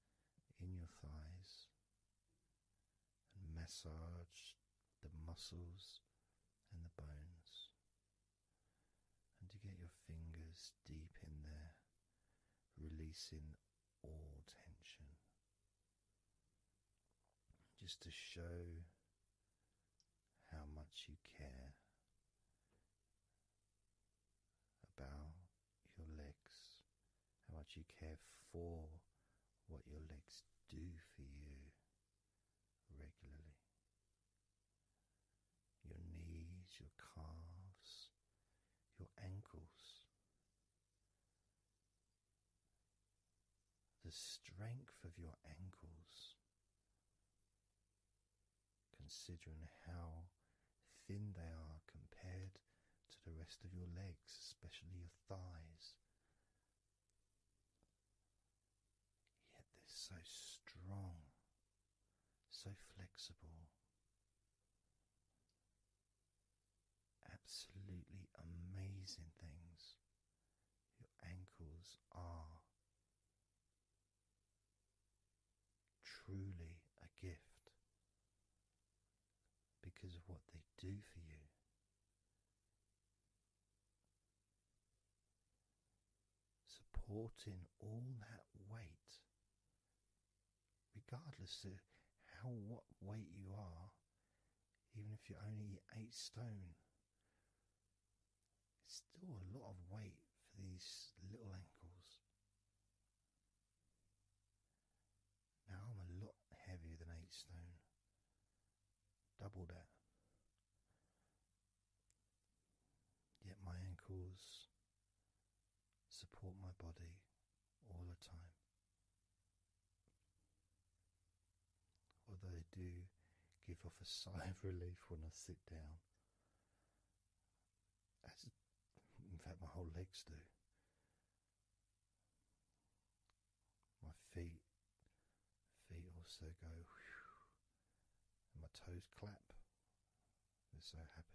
in your thighs and massage the muscles and the bones, and to get your fingers deep in there, releasing all tension. Just to show how much you care about your legs, how much you care for what your legs do for you regularly. Your knees, your calves, your ankles. The strength of your ankles considering how thin they are compared to the rest of your legs, especially your thighs. Yet they're so strong, so flexible. Absolutely amazing things. Your ankles are truly a gift because of what they do for you. Supporting all that weight, regardless of how what weight you are, even if you're only eight stone Still a lot of weight for these little ankles. Now I'm a lot heavier than eight stone. Double that. Yet my ankles support my body all the time. Although I do give off a [LAUGHS] sigh of relief when I sit down in fact, my whole legs do. My feet, feet also go, and my toes clap. They're so happy.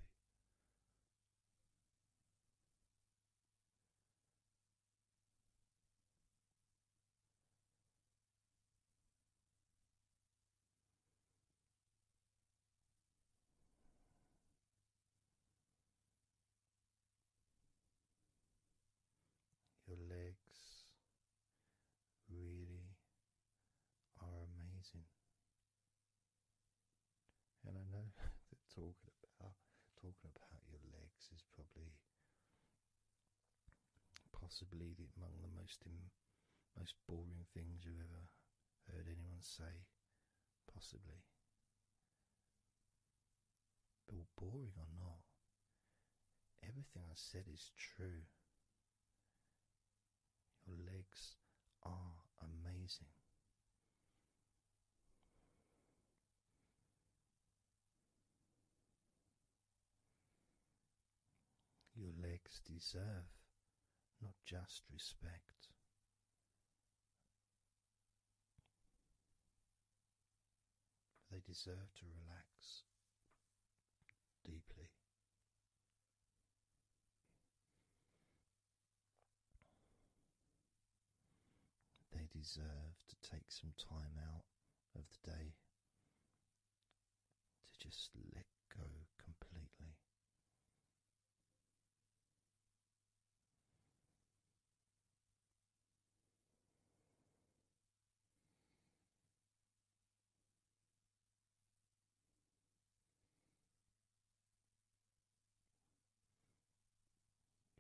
Your legs really are amazing. And I know [LAUGHS] that talking about talking about your legs is probably possibly the, among the most most boring things you've ever heard anyone say, possibly. But boring or not, everything I said is true. Your legs are amazing. Your legs deserve not just respect. They deserve to relax deeply. They deserve to take some time out of the day to just let go completely.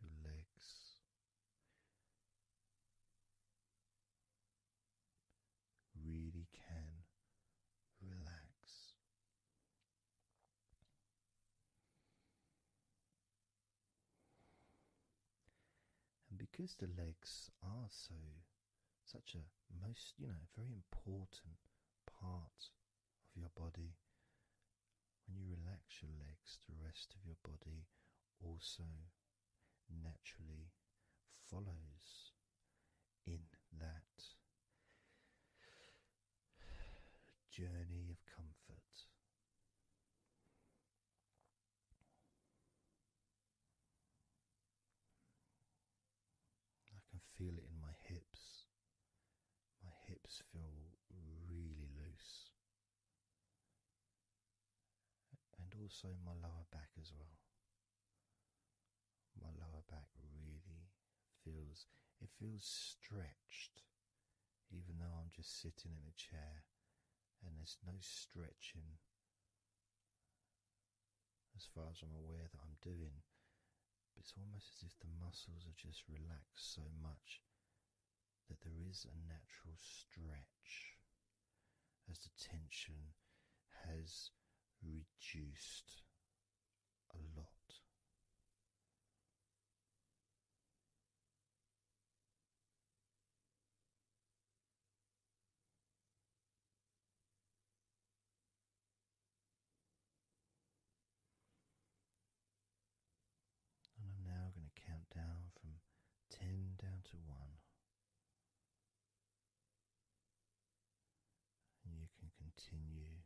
Your legs really can relax. And because the legs are so such a most you know very important part of your body, when you relax your legs, the rest of your body also naturally follows in that journey of comfort. I can feel it in my hips. My hips feel really loose, and also my lower back as well. My lower back really feels it feels stretched, even though I'm just sitting in a chair and there's no stretching as far as I'm aware that I'm doing. But it's almost as if the muscles are just relaxed so much that there is a natural stretch as the tension has reduced a lot. And I'm now going to count down from ten down to one you can continue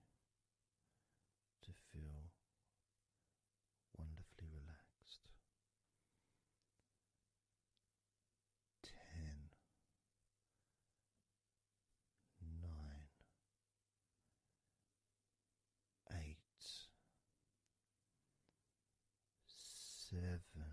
to feel wonderfully relaxed. Ten, nine, eight, seven,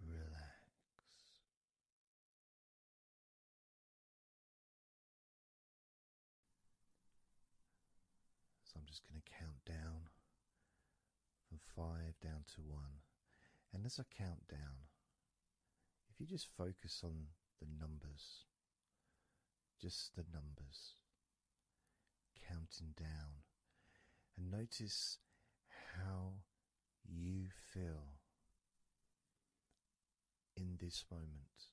Relax. So I'm just going to count down from five down to one. And as I count down, if you just focus on the numbers, just the numbers, counting down, and notice how you feel in this moment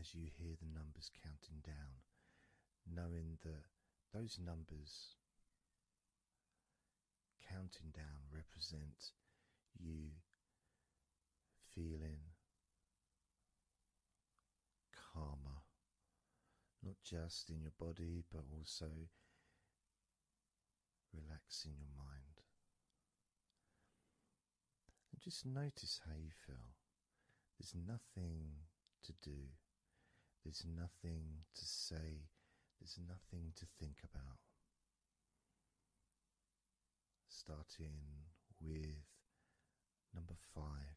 as you hear the numbers counting down, knowing that those numbers counting down represent you feeling calmer, not just in your body but also relaxing your mind. And just notice how you feel. There's nothing to do, there's nothing to say, there's nothing to think about. Starting with number five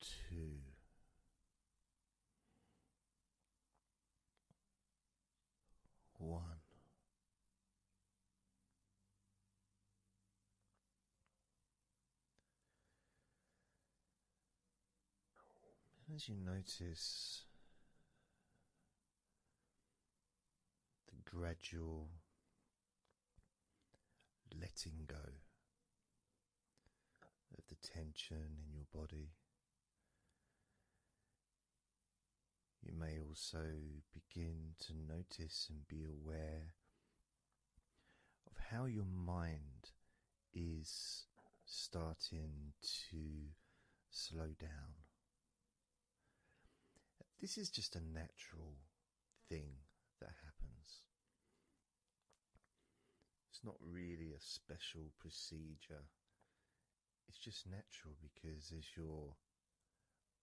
two, one. As you notice the gradual letting go of the tension in your body. You may also begin to notice and be aware of how your mind is starting to slow down. This is just a natural thing that happens. It's not really a special procedure, it's just natural because as your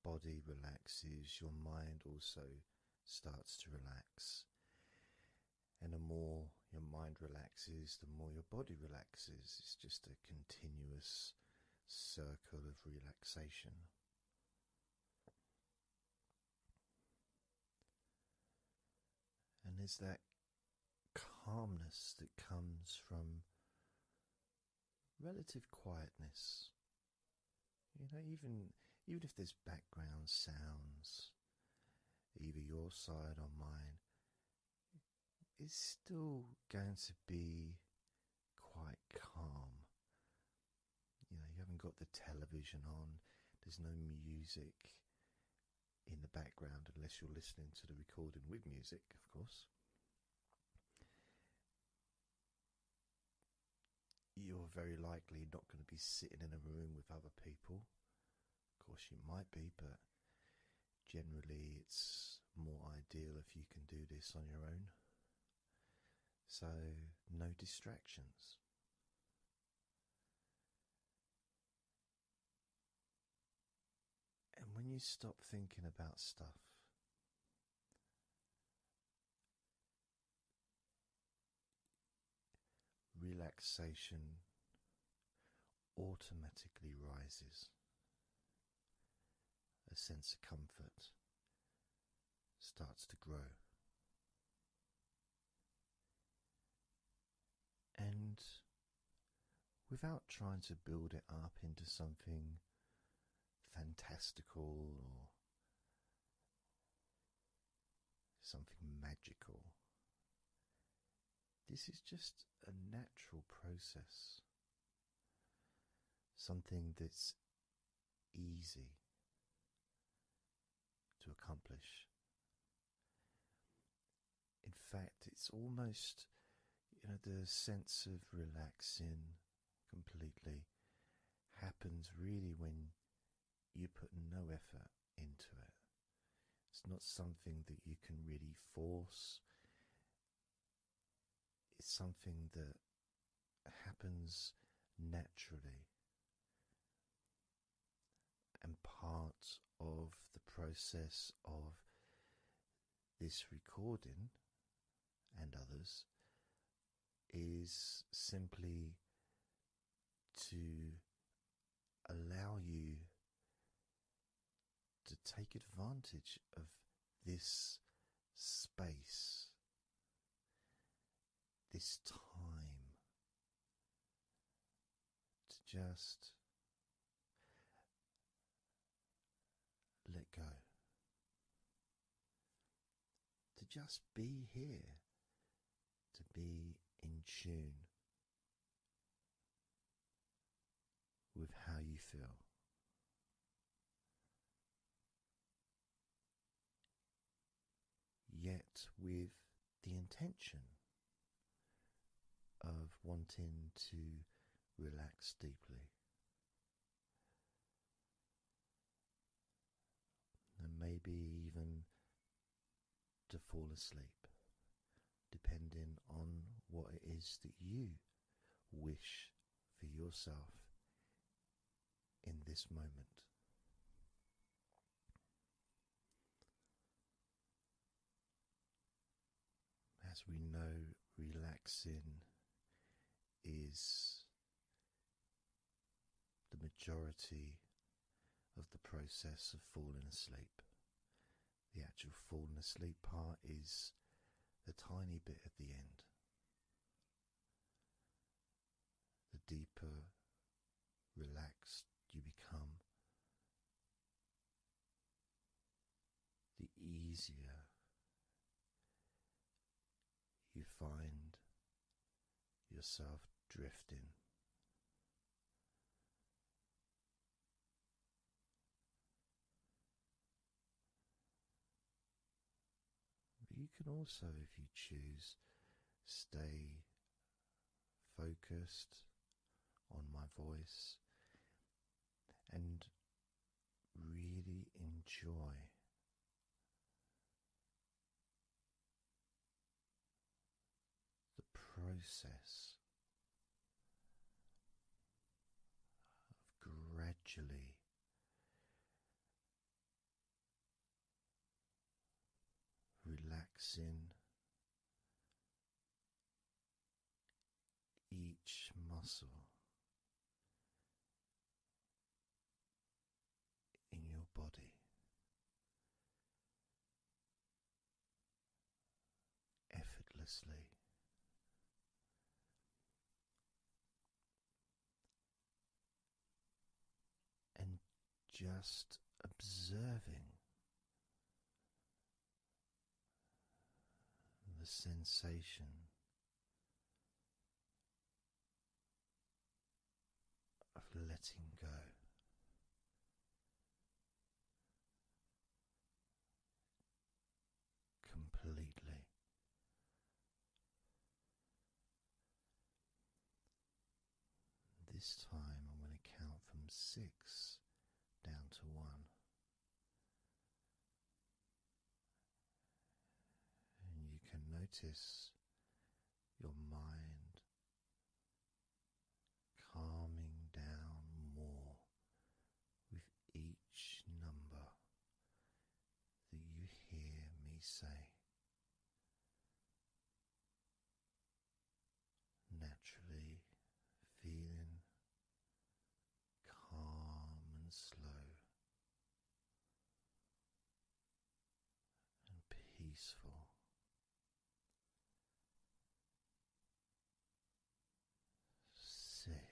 body relaxes, your mind also starts to relax. And the more your mind relaxes, the more your body relaxes. It's just a continuous circle of relaxation. And there's that calmness that comes from relative quietness. You know, even even if there's background sounds, either your side or mine, it's still going to be quite calm you know, you haven't got the television on, there's no music in the background unless you're listening to the recording with music, of course. You're very likely not going to be sitting in a room with other people. Of course, you might be, but generally, it's more ideal if you can do this on your own. So, no distractions. And when you stop thinking about stuff, relaxation automatically rises, a sense of comfort, starts to grow. And without trying to build it up into something fantastical or something magical, this is just a natural process, something that's easy to accomplish. In fact, it's almost, you know, the sense of relaxing completely happens really when you put no effort into it. It's not something that you can really force. It's something that happens naturally and part of the process of this recording and others is simply to allow you to take advantage of this space this time to just let go, to just be here, to be in tune with how you feel yet with the intention of wanting to relax deeply. And maybe even to fall asleep, depending on what it is that you wish for yourself in this moment. As we know, relaxing is the majority of the process of falling asleep. The actual falling asleep part is the tiny bit at the end the deeper relaxed you become, the easier you find yourself drifting. But you can also, if you choose, stay focused on my voice and really enjoy the process of gradually relaxing each muscle in your body. Effortlessly, and just observing the sensation of letting go. Completely, this time I'm going to count from six down to one. And you can notice your mind calming down more with each number that you hear me say naturally feeling calm and slow and peaceful. Six.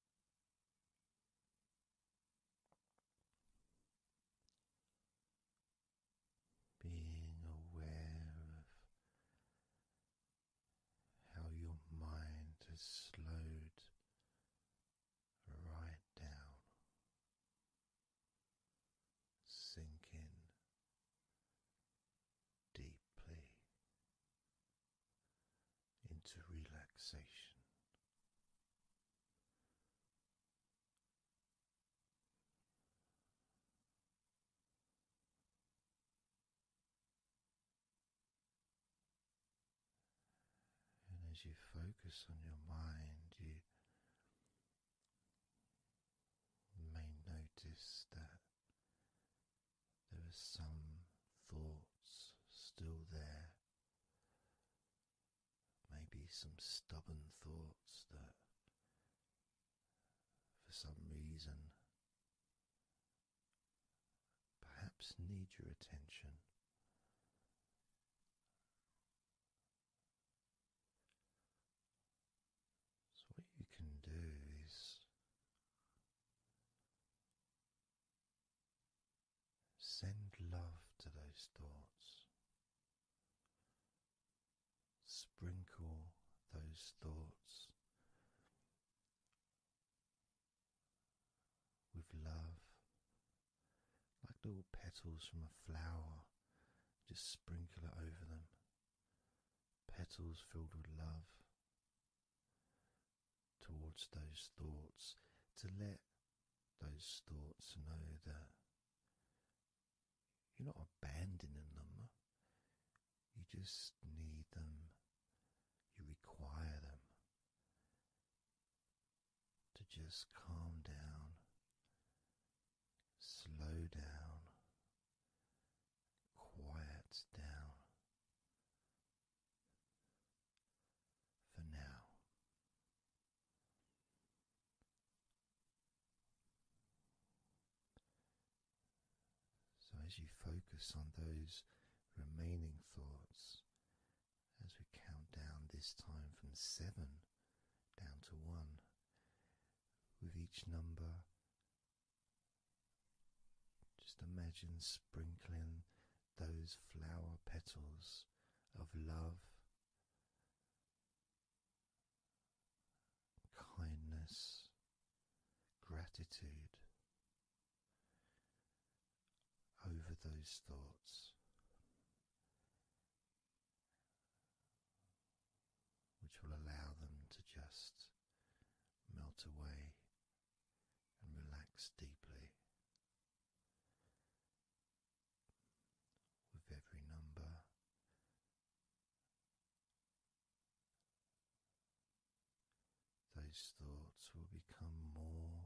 Being aware of how your mind has slowed right down, sinking deeply into relaxation. And as you focus on your mind, you may notice that there are some thoughts still there Maybe some stubborn thoughts that for some reason perhaps need your attention. So, what you can do is Send love to those thoughts. Sprinkle those thoughts with love, like little petals from a flower, just sprinkle it over them. Petals filled with love towards those thoughts, to let those thoughts know that you're not abandoning them, you just need them, you require them to just calm down, slow down, quiet down for now. So, as you focus on those remaining thoughts, as we count down this time from seven down to one, with each number, just imagine sprinkling those flower petals of love, kindness, gratitude over those thoughts. Which will allow them to just melt away and relax deeply with every number. Those thoughts will become more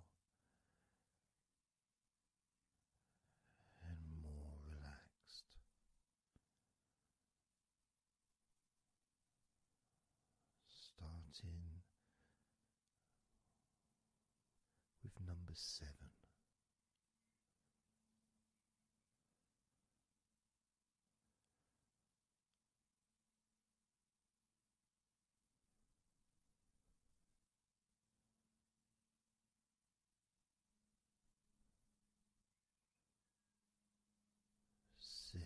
and more relaxed. Starting with number seven. Six,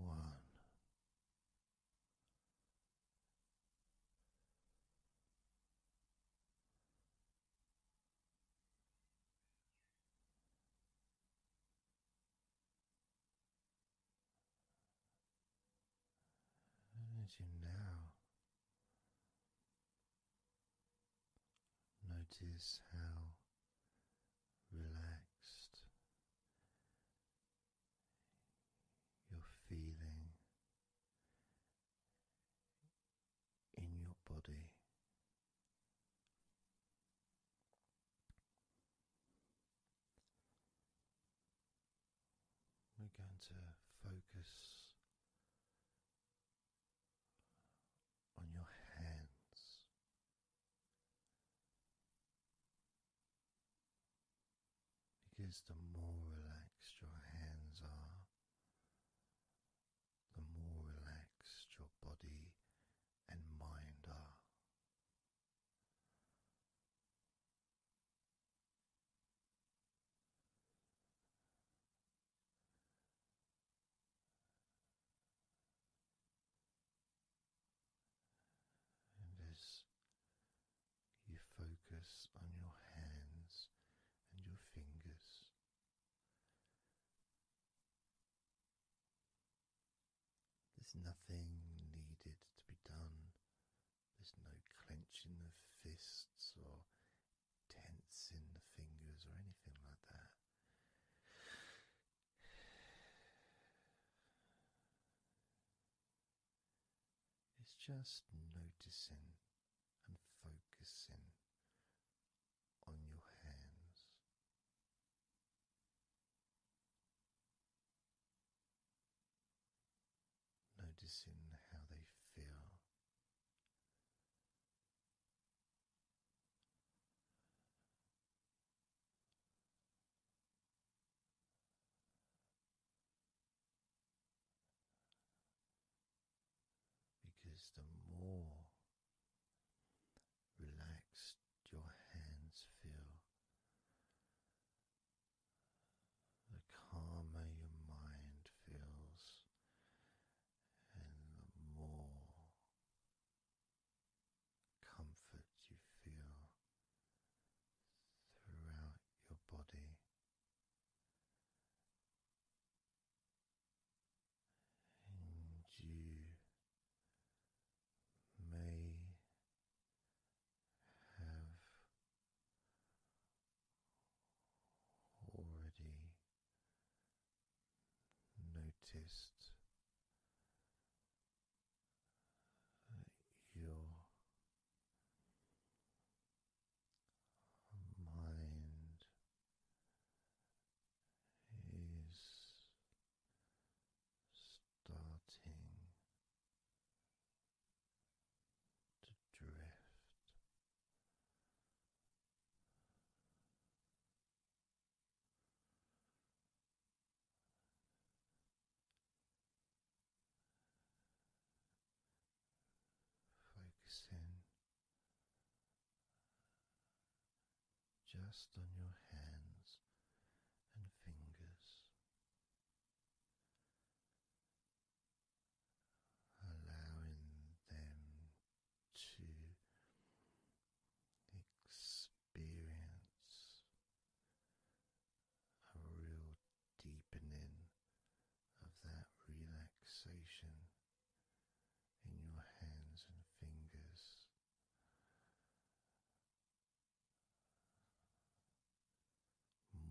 one. as you now notice how relaxed. You're feeling in your body. We're going to focus on your hands. Because the more relaxed your hands are, the more relaxed your body and mind are. And as you focus on your hands and your fingers, there's nothing needed to be done. There's no clenching of fists or tensing the fingers or anything like that. It's just noticing and focusing on your hands. Noticing how they feel, because the more relaxed your hands feel, the calmer your mind feels, and the more comfort you feel throughout your body. And you may have already noticed that your mind is starting to drift. Focusing just on your hands and fingers, allowing them to expand experience a real deepening of that relaxation in your hands and fingers.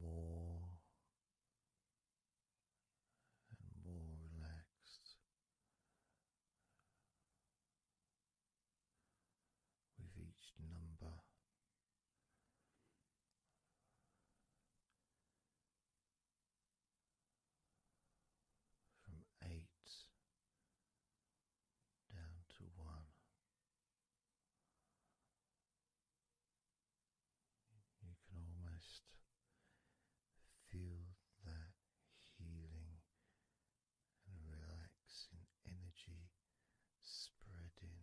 More and more relaxed, with each number. From eight down to one, you can almost feel that healing and relaxing energy spreading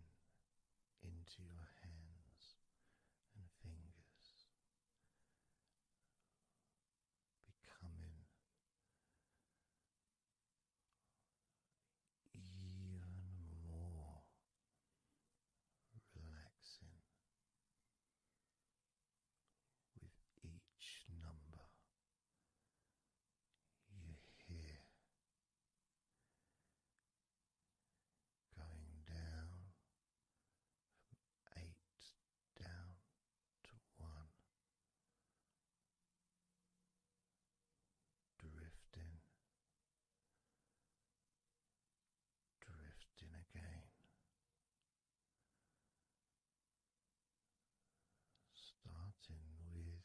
into your hands and fingers, becoming even more relaxing with each number you hear going down from eight down to one, drifting, drifting again starting with number eight.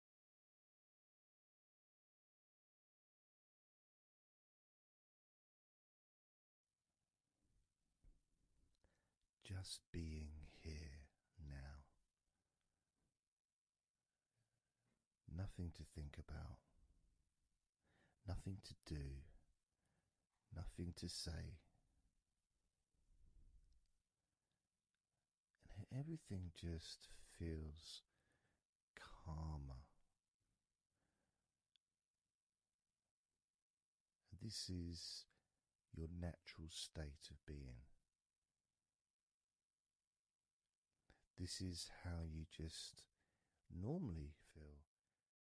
Just being here now. Nothing to think about, nothing to do, nothing to say. And everything just feels calmer. This is your natural state of being. This is how you just normally feel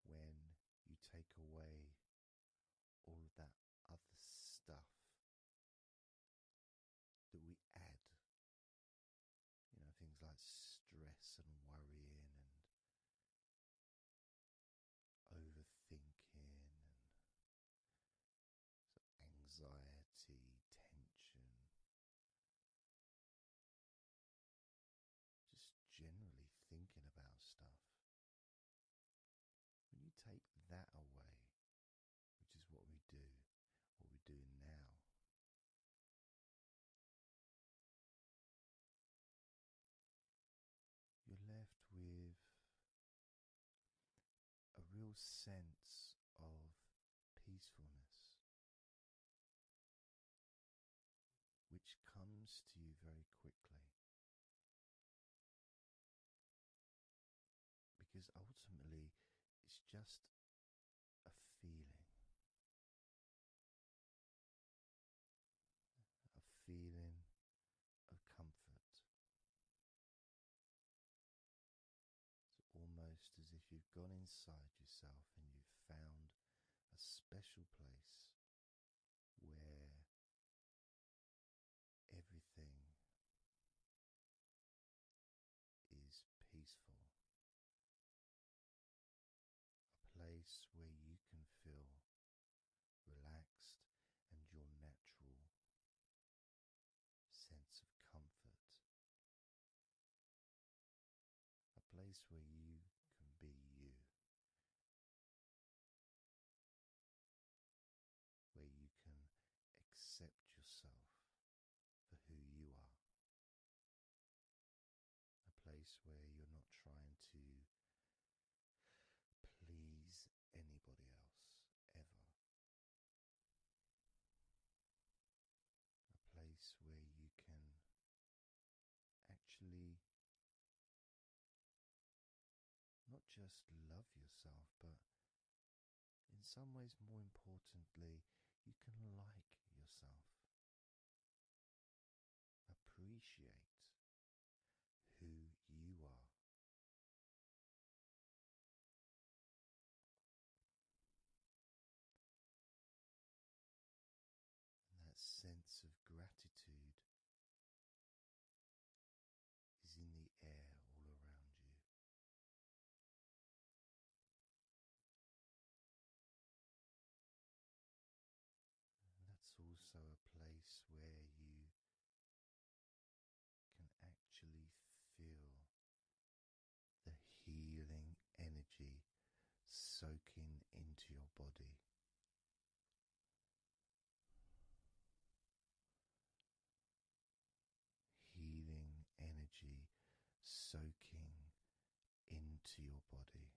when you take away all of that other stuff that we add. You know, things like stress and worrying and overthinking and anxiety, tension. Just generally thinking about stuff. When you take that away, which is what we do, what we're doing now, you're left with a real sense of peacefulness, which comes to you very quickly. Because ultimately, it's just a feeling. A feeling of comfort. It's almost as if you've gone inside yourself and you've found a special place where everything is peaceful, a place where you can feel relaxed and your natural sense of comfort, a place where you can be you. Where you can accept yourself for who you are. A place where you're not trying to please anybody else ever. A place where you can actually not just love yourself, but in some ways, more importantly, you can like yourself, appreciate who you are. And that sense of gratitude is in the air all around you. That's also a place where you can actually feel the healing energy soaking into your body. Healing energy soaking into your body.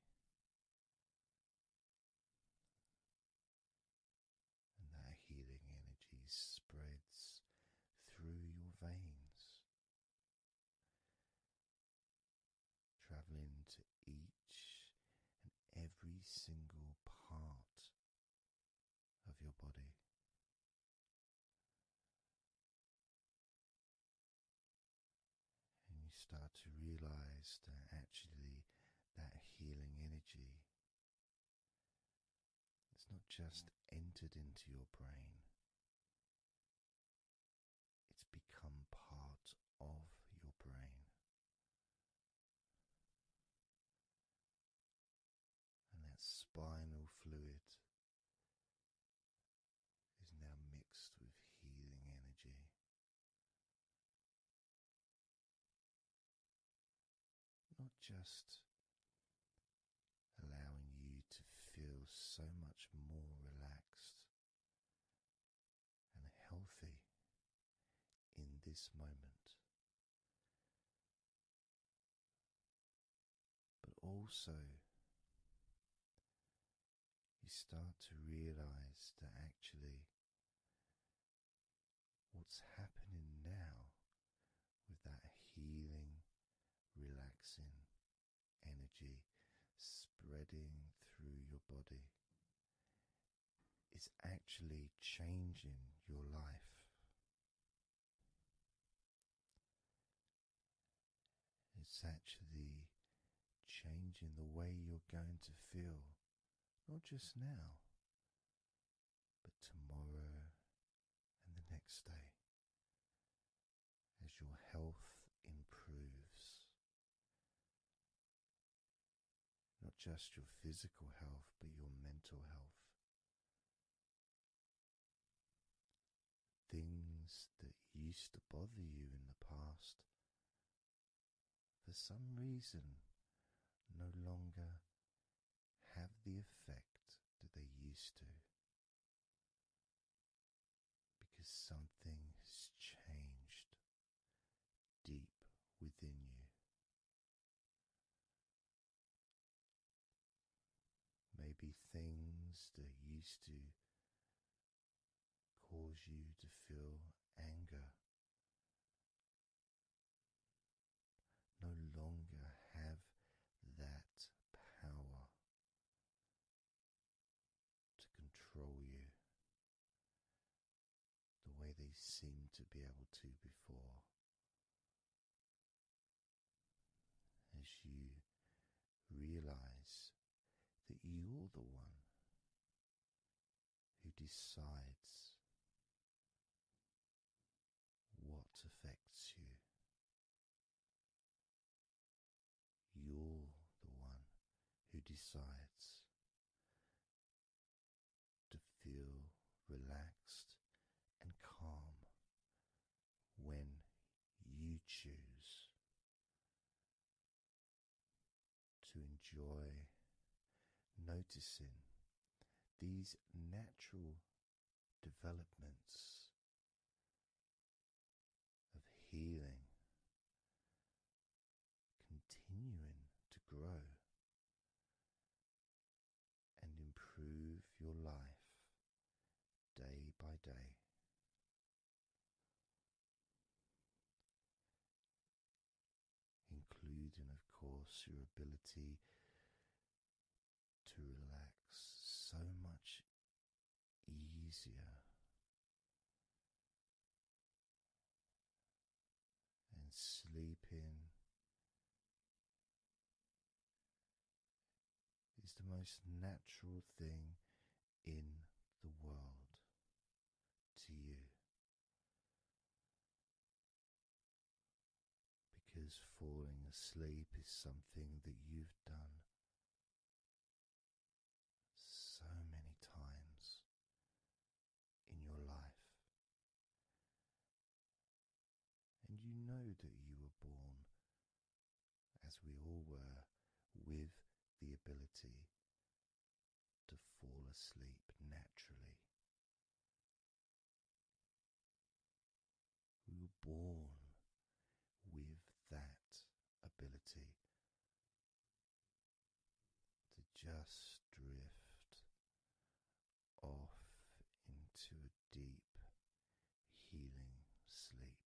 And that healing energy spreads through your veins, traveling to each and every single part of your body. And you start to realize that actually that healing energy it's not just entered into your brain, it's become part of your brain. And that spinal fluid is now mixed with healing energy. Not just allowing you to feel so much more relaxed and healthy in this moment, but also you start to realize that actually what's happening now with that healing, relaxing energy spreading through your body is actually changing your life. It's actually changing the way you're going to feel, not just now, but tomorrow and the next day. As your health improves, not just your physical health, but your mental health. Things that used to bother you in the past, for some reason, no longer have the effect that they used to. Because something has changed deep within you. Maybe things that used to cause you to feel anger. No longer have that power to control you the way they seemed to be able to before. As you realize that you're the one who decides what affects you. You're the one who decides to feel relaxed and calm when you choose to enjoy noticing these natural developments of healing continuing to grow and improve your life day by day including, of course, your ability to relax so much easier. And sleeping is the most natural thing in the world to you. Because falling asleep is something that you've done so many times in your life, and you know that you were born as we all were, with the ability to fall asleep naturally. We were born with that ability to just drift off into a deep, healing sleep.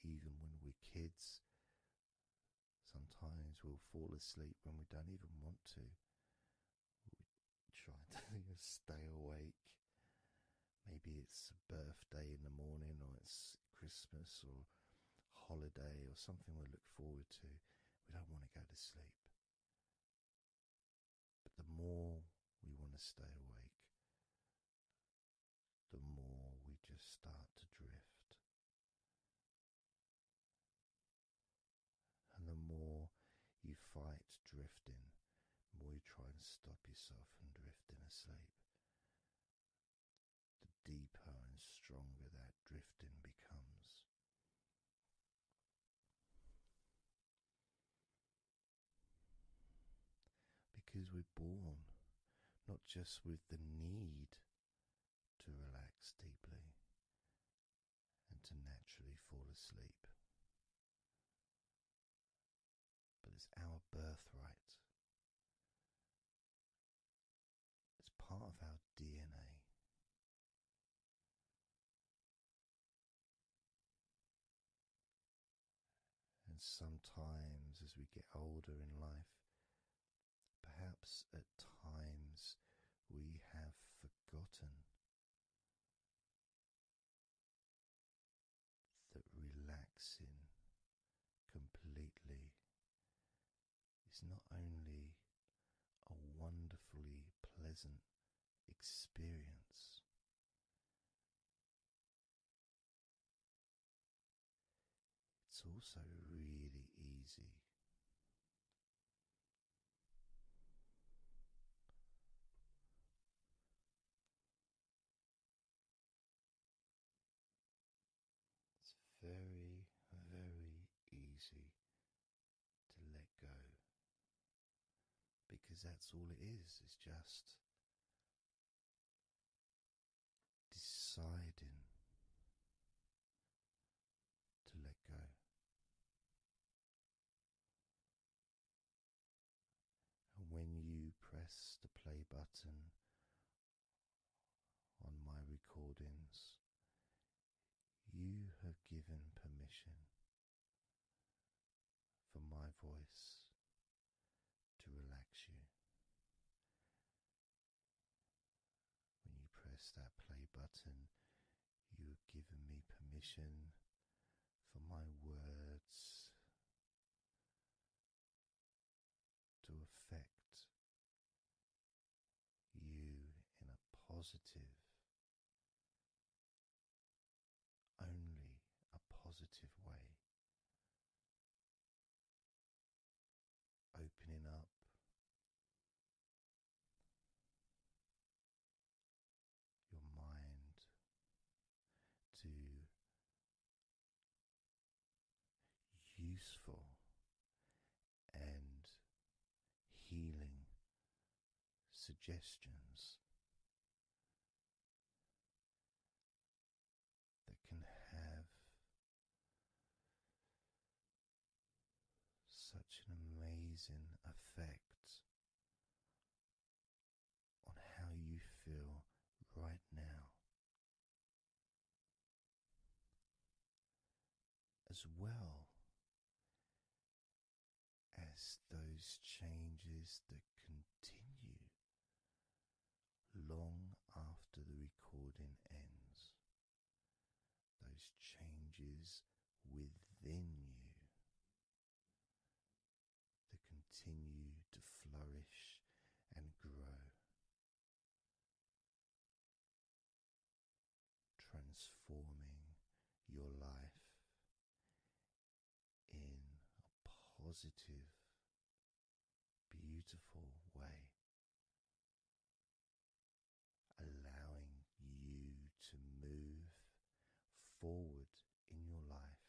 Even when we're kids, sometimes we'll fall asleep when we don't even want to. We try [LAUGHS] to stay awake. Maybe it's a birthday in the morning, or it's Christmas, or holiday, or something we look forward to. We don't want to go to sleep. But the more we want to stay awake, the more we just start to drift. And the more you fight drifting, the more you try and stop yourself from drifting asleep, the deeper and stronger that drifting becomes. Because we're born not just with the need to relax deeply and to naturally fall asleep, but it's our birthright. It's part of our DNA. And sometimes, as we get older in life, perhaps at times we have forgotten that relaxing completely is not only a wonderfully pleasant experience. It's also really easy it's very, very easy to let go because that's all it is, it's just deciding to let go. And when you press the play button on my recordings, you have given permission for my voice to relax you. When you press that play button, you have given me permission for my words to affect you in a positive only a positive way. Opening up your mind to useful and healing suggestions that can have such an amazing effect on how you feel right now, as well as those changes that continue long after the recording ends, those changes within you that continue to flourish and grow. Transforming your life in a positive, beautiful way, allowing you to move forward in your life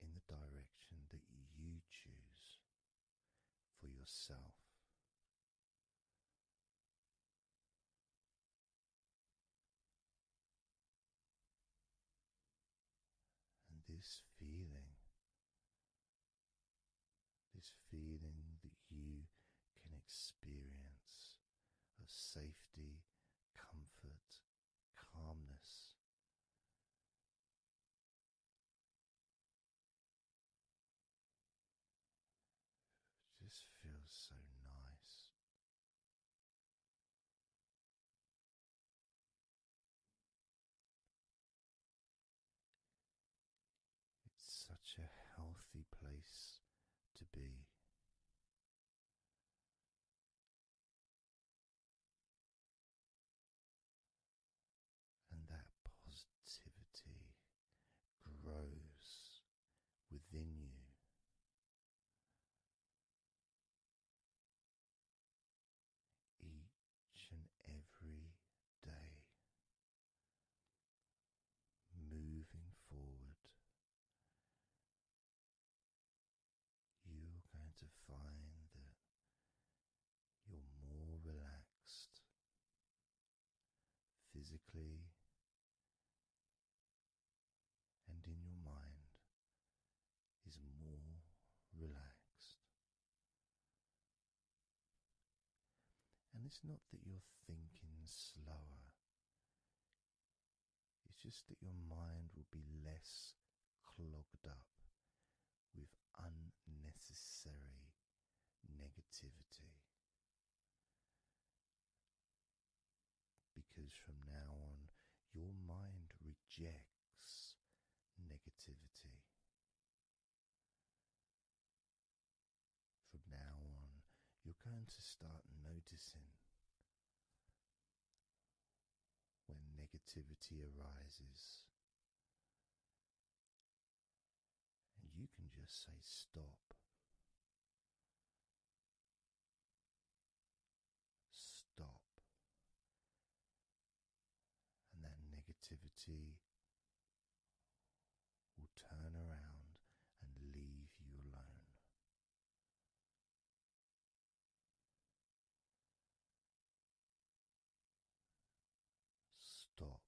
in the direction that you choose for yourself. And this feeling, this feeling that you can experience of safety, comfort, calmness. just feels so nice it's such a healthy place to be. And that positivity grows within you each and every day, moving forward, you're going to find that you're more relaxed physically and in your mind is more relaxed. And it's not that you're thinking slower, it's just that your mind will be less clogged up with unnecessary negativity. Because from now on, your mind rejects negativity. From now on, you're going to start noticing when negativity arises. And you can just say, Stop. Stop. And that negativity will turn around and leave you alone. Stop.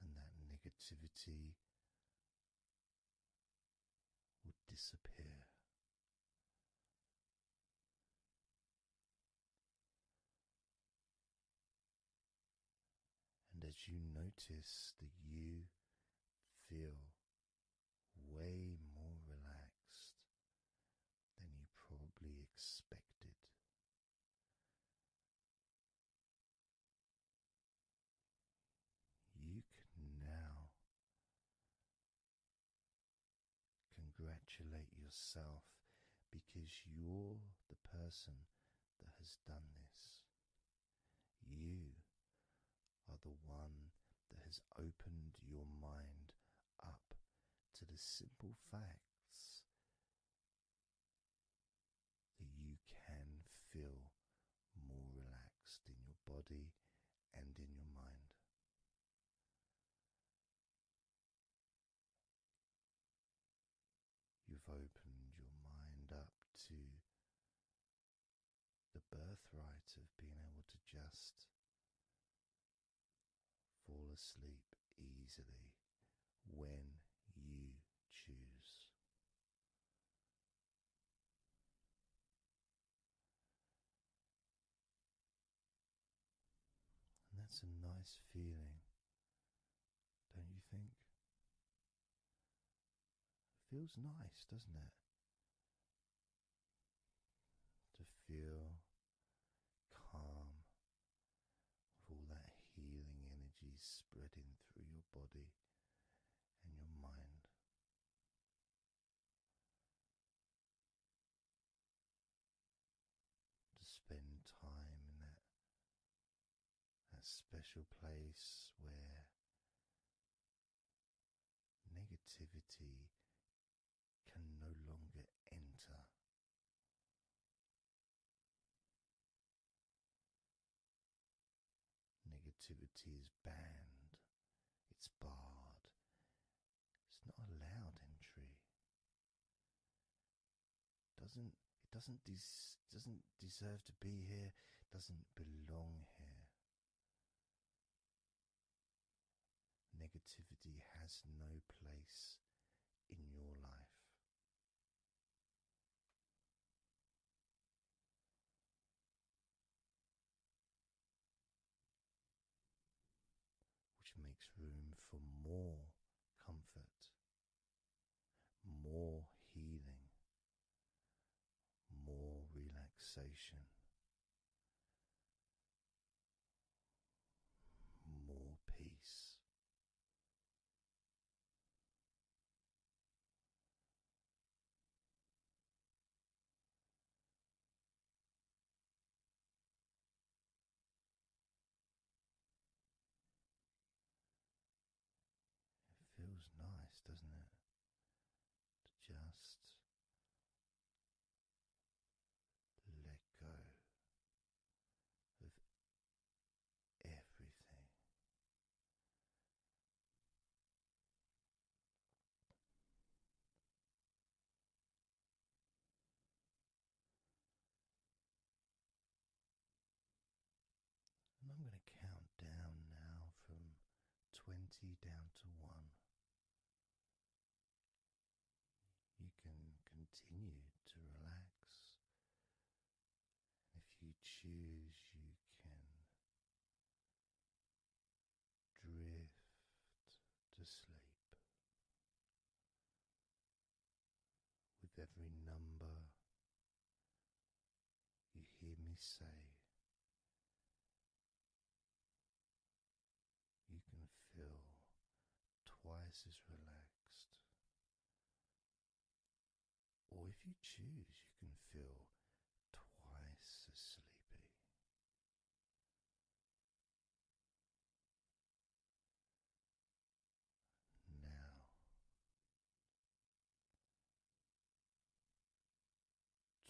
And that negativity will disappear. And as you notice that you feel way more relaxed than you probably expected, you can now congratulate yourself because you're the person that has done this. You are the one that has opened your mind up to the simple facts that you can feel more relaxed in your body and in your mind. You've opened your mind up to the birthright of being able to just fall asleep easily when you choose that's a nice feeling, don't you think? It feels nice, doesn't it? To feel calm with all that healing energy spreading through your body and your mind. To spend time in that, that special place where negativity can no longer enter. Negativity is banned, it's barred, it's not allowed entry. Doesn't it doesn't des- doesn't deserve to be here, doesn't belong here. Negativity has no place in your life which makes room for more comfort, more healing, more relaxation. More peace. It feels nice, doesn't it? To just let go of everything I'm going to count down now from 20 down to 1. You can continue to relax. And if you choose, you can drift to sleep with every number you hear me say. You can feel twice as relaxed, or if you choose, you can feel twice as sleepy. Now,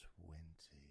twenty.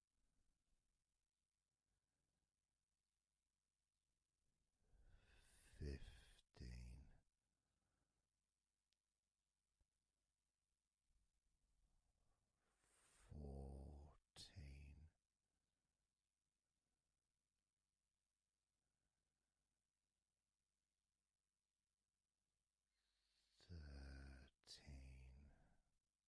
fifteen. Fourteen, thirteen,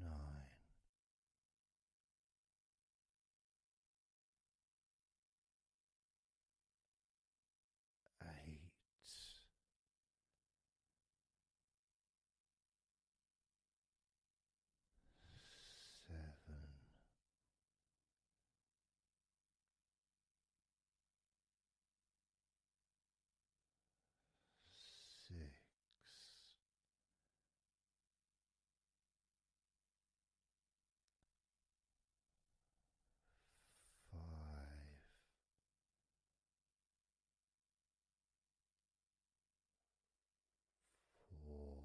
nine, eight. Seven, six, five, four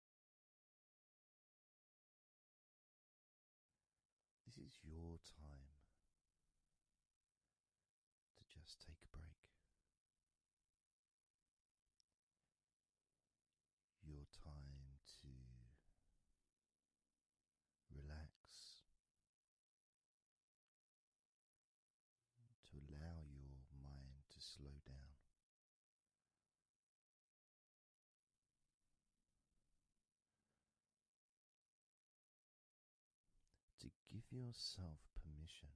this is your time to just take a break. Your time to relax, to allow your mind to slow down, to give yourself permission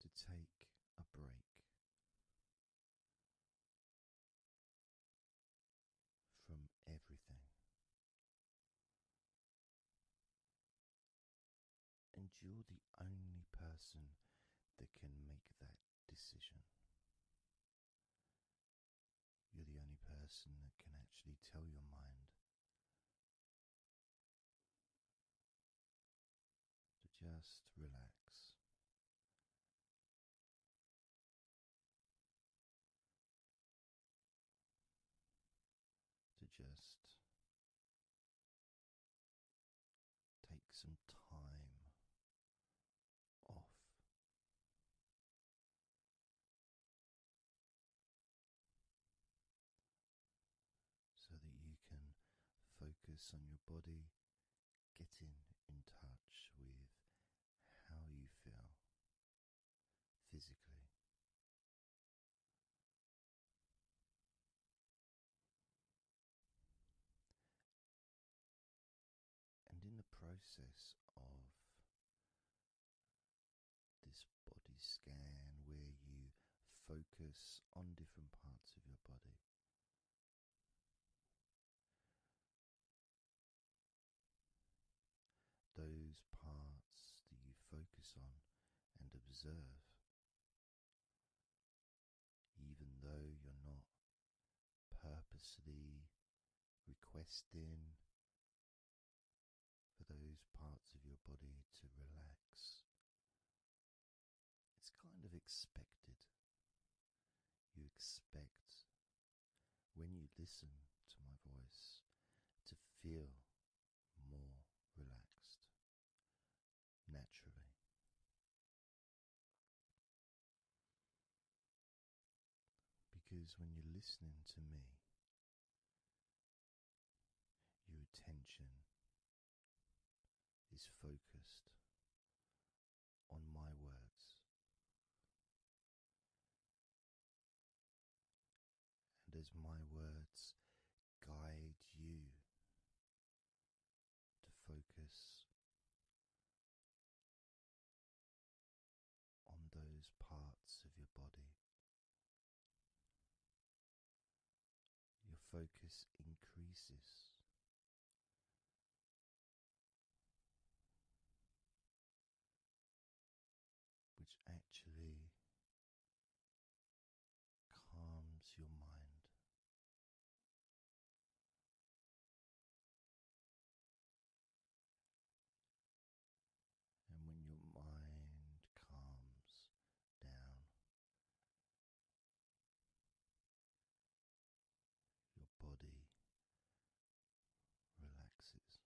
to take a break from everything and you're the only person that can make that decision. You're the only person that can actually tell your mind to just relax. To just Take some time off. So that you can focus on your body, getting in touch with how you feel physically. And in the process of this body scan, where you focus on different parts of your body. Those parts that you focus on and observe even though you're not purposely requesting for those parts of your body to relax. It's kind of expected. You expect when you listen to my voice to feel more relaxed naturally. Because when you're listening to me, your attention is focused on my words. And as my words guide you to focus on those parts of your body. Your focus increases. Which actually calms your mind. And when your mind calms down, your body relaxes.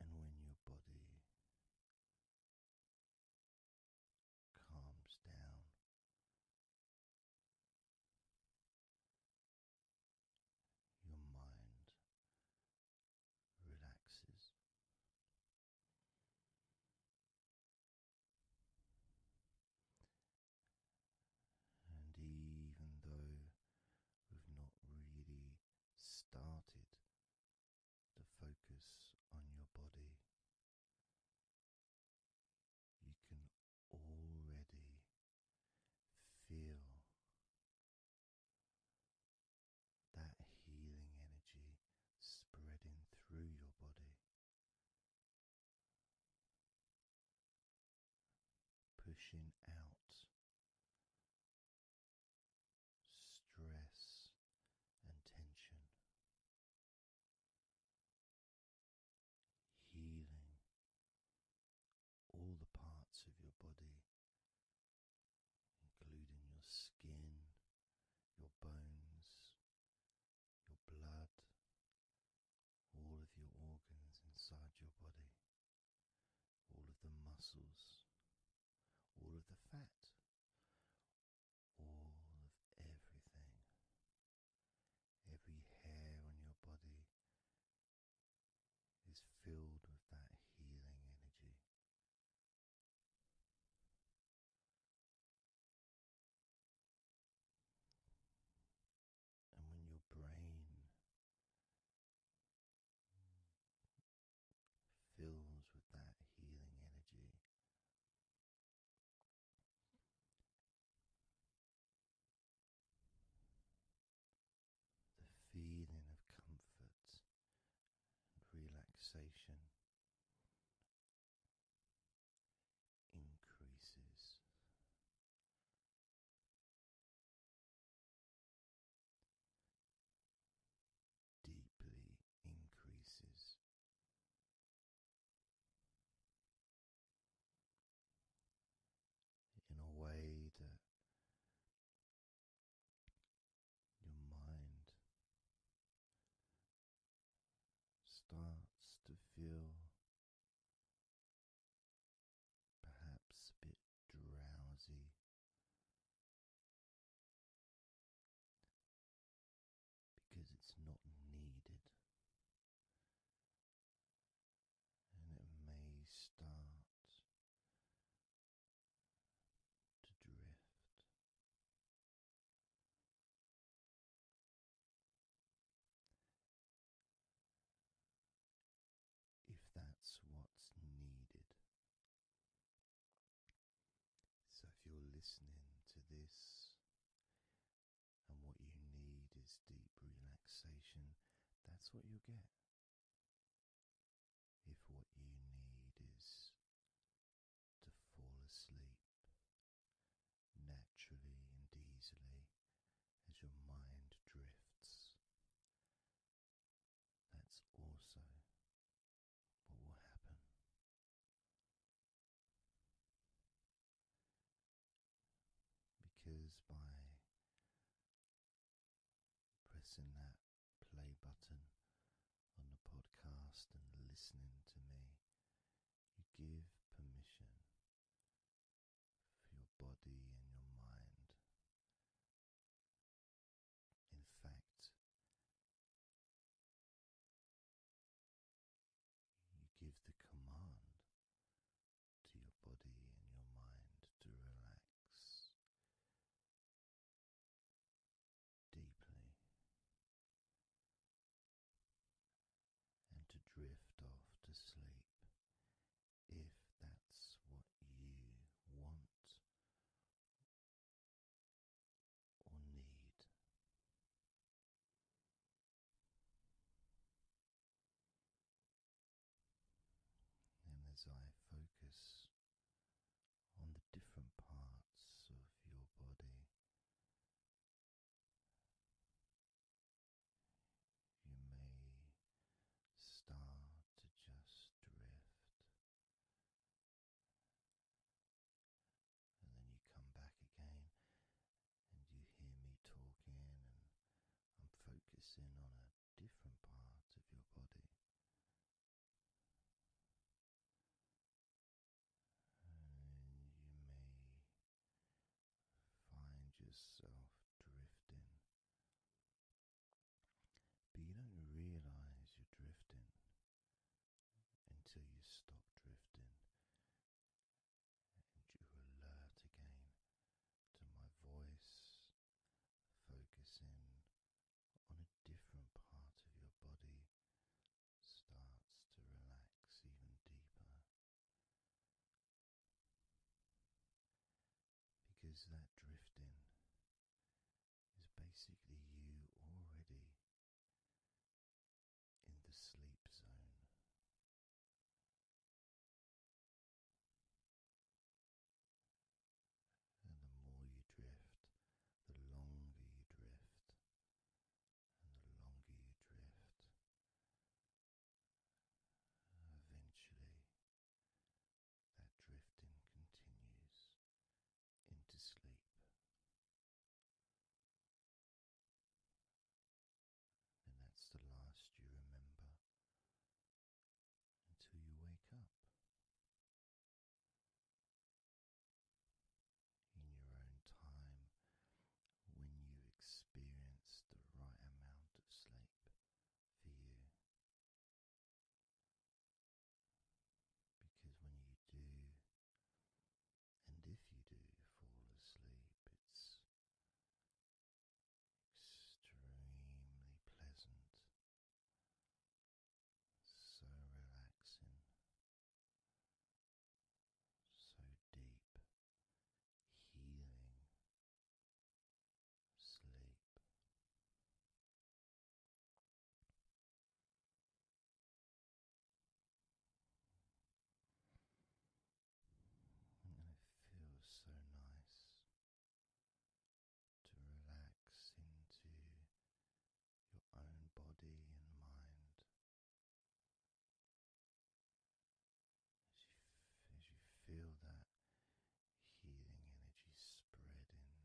And when your body calms down, your mind relaxes. And even though we've not really started to focus on your body, you can already feel that healing energy spreading through your body, pushing out stress and tension, healing all the parts of your body, including your skin, your bones, your blood, all of your organs inside your body all of the muscles, all of the fat, all of everything, every hair on your body is filled with that healing energy. And when your brain fills with that healing energy. The feeling of comfort and relaxation increases deeply increases. In a way that your mind starts to feel perhaps a bit drowsy because it's not needed. And it may start to drift if that's what's needed. So, if you're listening to this and what you need is deep relaxation, that's what you'll get. If what you need is to fall asleep naturally and easily as your mind drifts, that's also what will happen? Because by pressing that play button on the podcast and listening to me, you give permission for your body and your mind in fact, you give the command to your body and your mind to relax deeply and to drift off to sleep if that's what you want or need. And as I focus on the different parts of your body, you may start to just drift and then you come back again and you hear me talking and I'm focusing on a different part of your body. And you may find yourself drifting but you don't realize you're drifting until you stop drifting and you alert again to my voice, focusing on a different part of your body starts to relax even deeper. Because that drifting is basically you already in the sleep zone. And the more you drift, the longer you drift, and the longer you drift, eventually that drifting continues into sleep. And that's the last you remember until you wake up in your own time when you experience the right amount of sleep for you. Because when you do, and if you do fall asleep, it's extremely pleasant, so relaxing, so deep, healing sleep. And it feels so nice to relax into your own body and mind. As you, as you feel that healing energy spreading through you,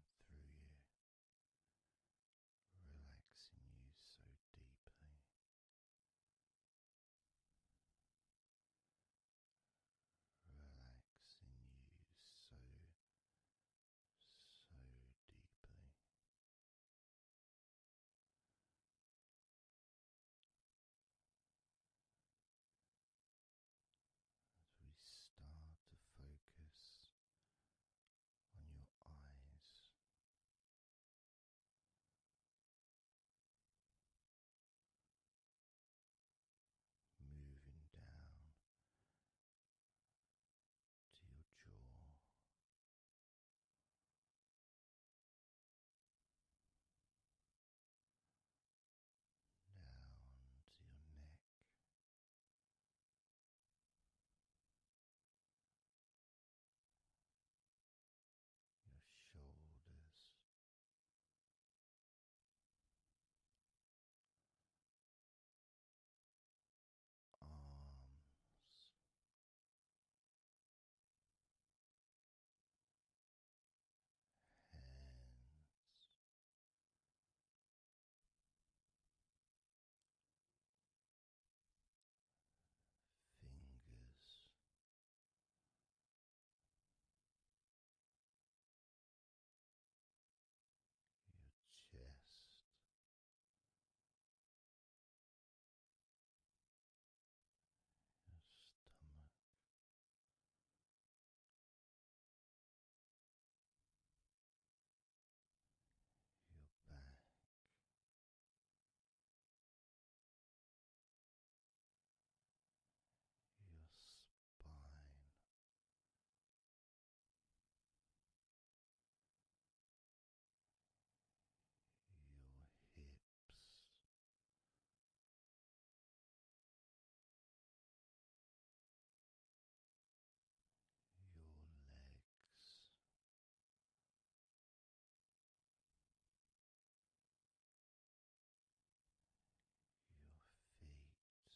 relaxing you so deeply. Relaxing you so, so deeply. As we start to focus on your eyes. Moving down to your jaw, down to your neck, your shoulders. Arms, hands, Fingers, Your stomach, your back. Your spine, your hips, your legs. Your feet, your toes,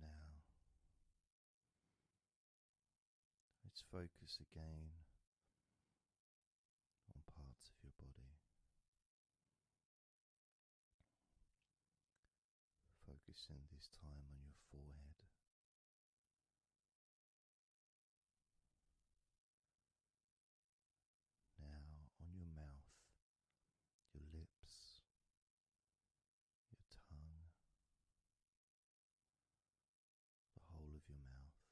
Now, let's focus again on parts of your body. Focusing this time on your forehead. Now on your mouth, your lips, your tongue, the whole of your mouth.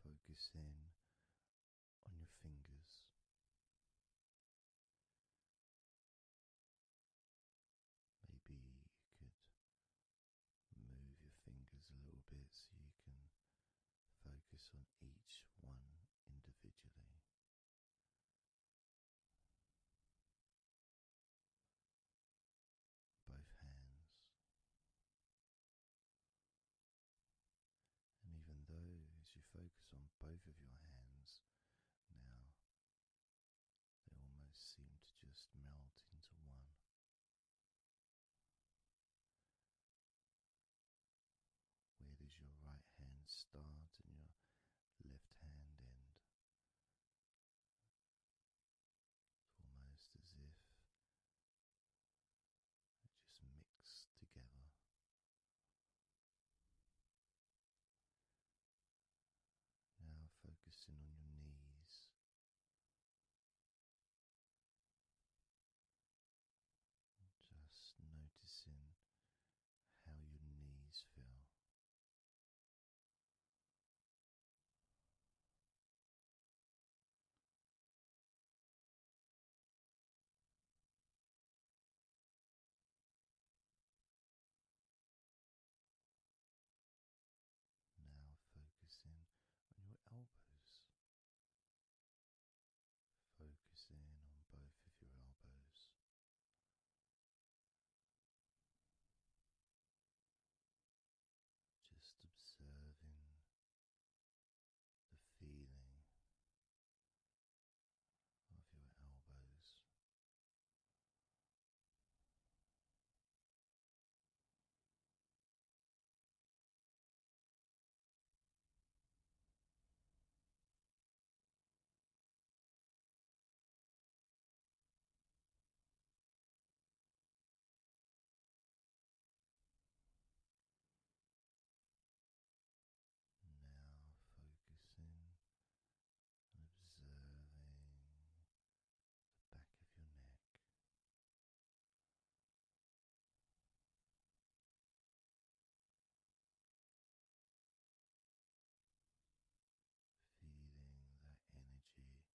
Focus in on your fingers, Maybe you could move your fingers a little bit so you can focus on each one individually. Both hands. And even though, you focus on both of your hands now, they almost seem to just melt into one. Where does your right hand start and your left hand end? It's almost as if they just mix together now focusing on your knees. Just noticing how your knees feel. Now focusing on your elbows. Focusing on both of your elbows. Just observing the feeling of your elbows. Now focusing and observing the back of your neck. Feeling that energy in the back of your neck.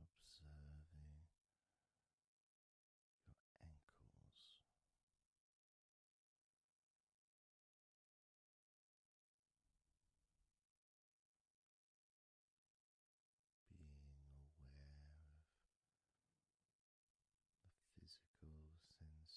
observing your ankles. Being aware of the physical sensations in your ankles,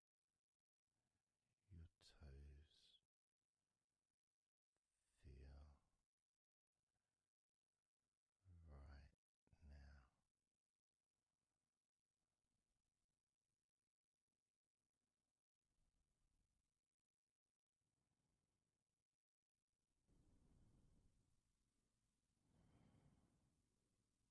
your toes feel right now.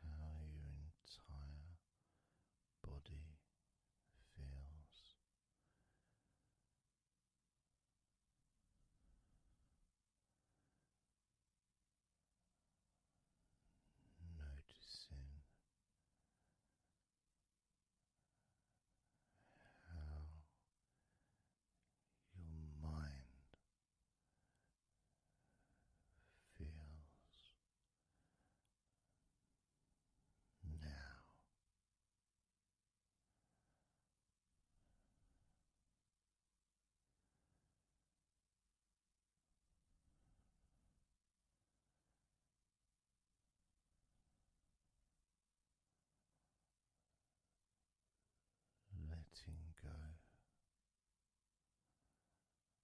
how your entire body feels. Noticing how your mind feels now. Letting go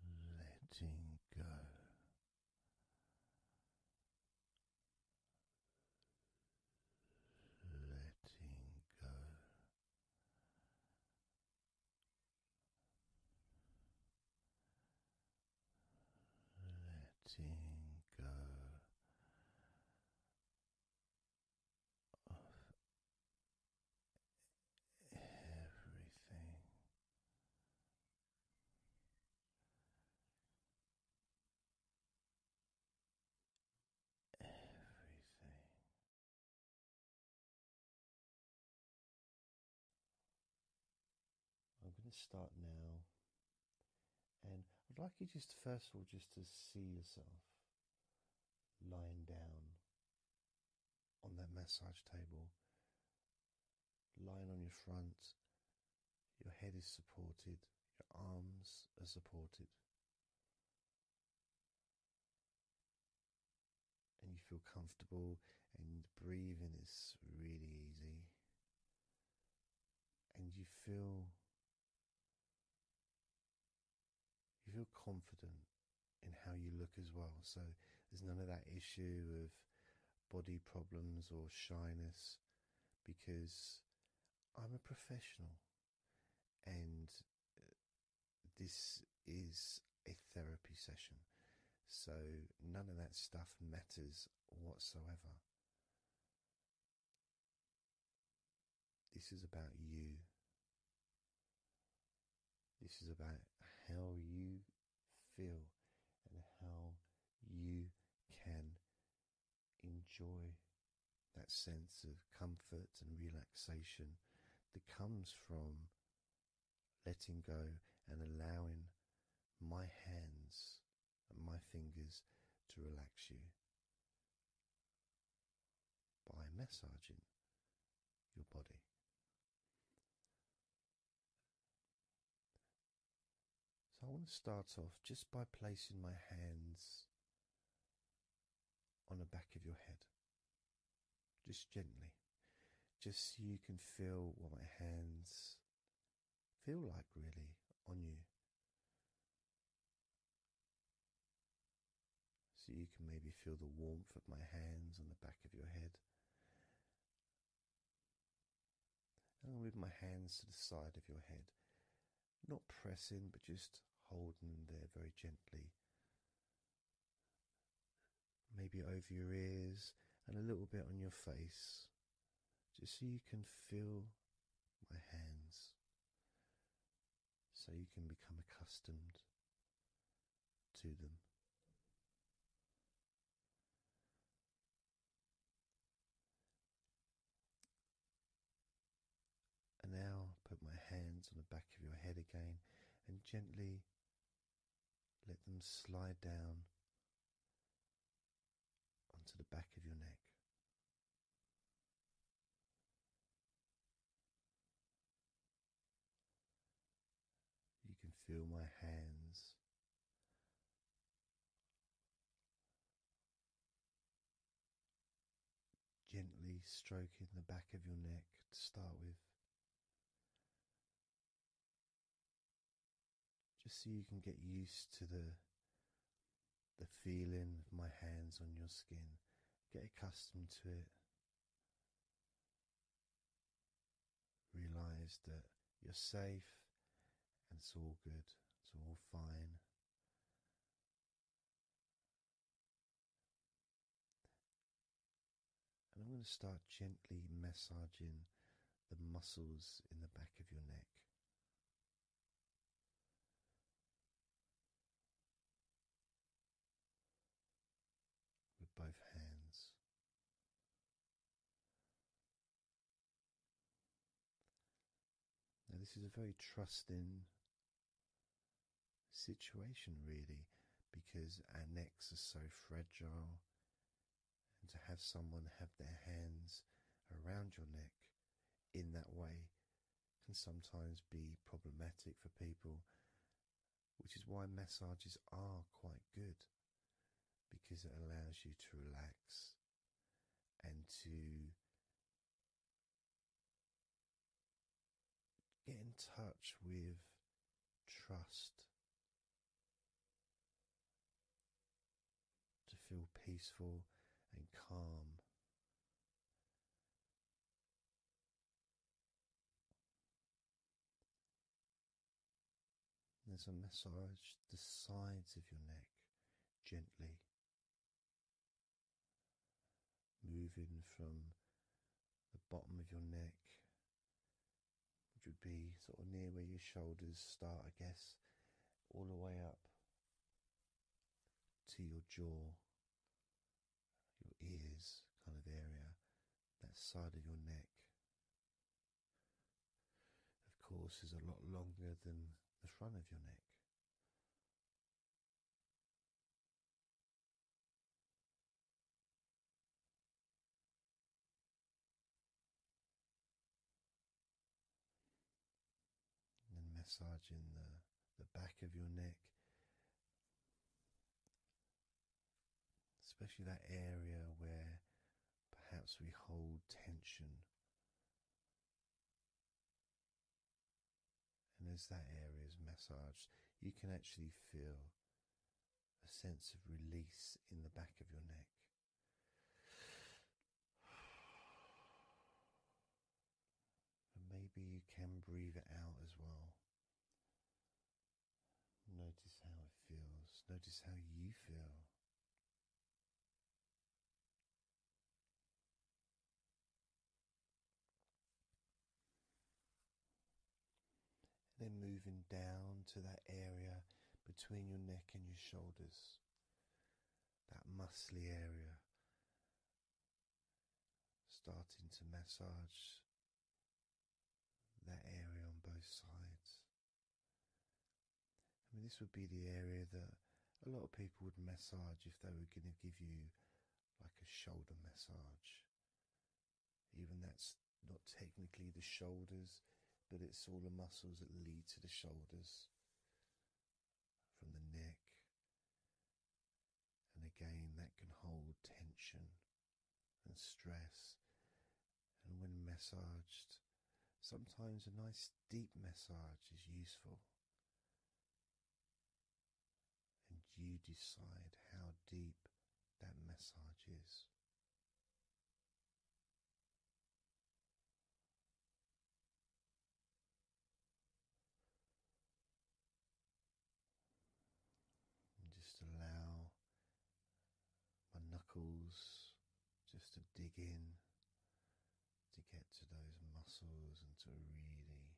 letting go. Letting go, letting go of everything. Everything. I'm going to start now, and I'd like you just first of all just to see yourself lying down on that massage table, lying on your front. Your head is supported, your arms are supported, and you feel comfortable, and breathing is really easy, and you feel you feel confident in how you look as well, so there's none of that issue of body problems or shyness because I'm a professional and uh, this is a therapy session, so none of that stuff matters whatsoever. This is about you. This is about how you feel and how you can enjoy that sense of comfort and relaxation that comes from letting go and allowing my hands and my fingers to relax you by massaging your body. So I want to start off just by placing my hands on the back of your head, just gently, just so you can feel what my hands feel like really on you. So you can maybe feel the warmth of my hands on the back of your head. I'll move my hands to the side of your head, not pressing but just holding there very gently. Maybe over your ears and a little bit on your face, just so you can feel my hands so you can become accustomed to them. And now put my hands on the back of your head again and gently let them slide down onto the back of your neck. You can feel my hands. Gently stroking the back of your neck to start with, just so you can get used to the the feeling of my hands on your skin. Get accustomed to it. Realize that you're safe and it's all good, it's all fine. And I'm going to start gently massaging the muscles in the back of your neck with both hands. Now, this is a very trusting situation, really, because our necks are so fragile, and to have someone have their hands around your neck in that way can sometimes be problematic for people, which is why massages are quite good because it allows you to relax and to get in touch with trust. To feel peaceful and calm, there's a massage the sides of your neck gently, moving from the bottom of your neck, which would be sort of near where your shoulders start, I guess, all the way up to your jaw your ears kind of area, that side of your neck. Of course, is a lot longer than the front of your neck. And massaging the the back of your neck, especially that area where perhaps we hold tension. And as that area is massaged, you can actually feel a sense of release in the back of your neck. And maybe you can breathe it out as well. Notice how it feels, notice how you feel. then moving down to that area between your neck and your shoulders, that muscly area starting to massage that area on both sides. I mean, this would be the area that a lot of people would massage if they were going to give you like a shoulder massage. Even that's not technically the shoulders, but it's all the muscles that lead to the shoulders from the neck and again that can hold tension and stress. And when massaged, sometimes a nice deep massage is useful. And you decide how deep that massage is just allow my knuckles just to dig in to get to those muscles and to really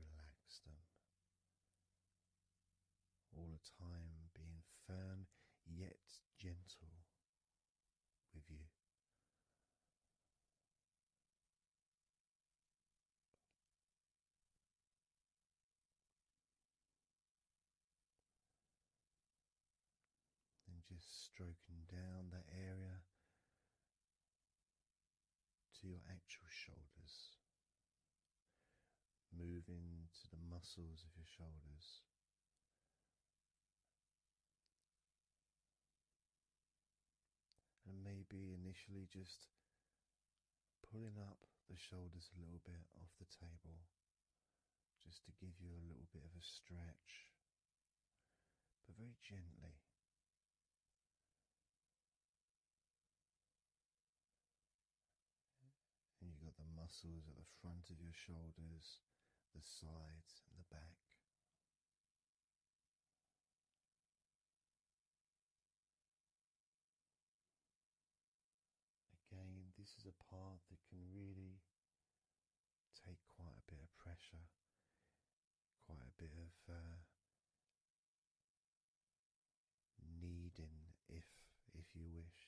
relax them. All the time being firm yet gentle with you. And just stroking down that area to your actual shoulders, moving to the muscles of your shoulders, and maybe initially just pulling up the shoulders a little bit off the table just to give you a little bit of a stretch, but very gently. And you've got the muscles at the front of your shoulders, the sides, and the back. Again, this is a part that can really take quite a bit of pressure, quite a bit of uh, if if you wish,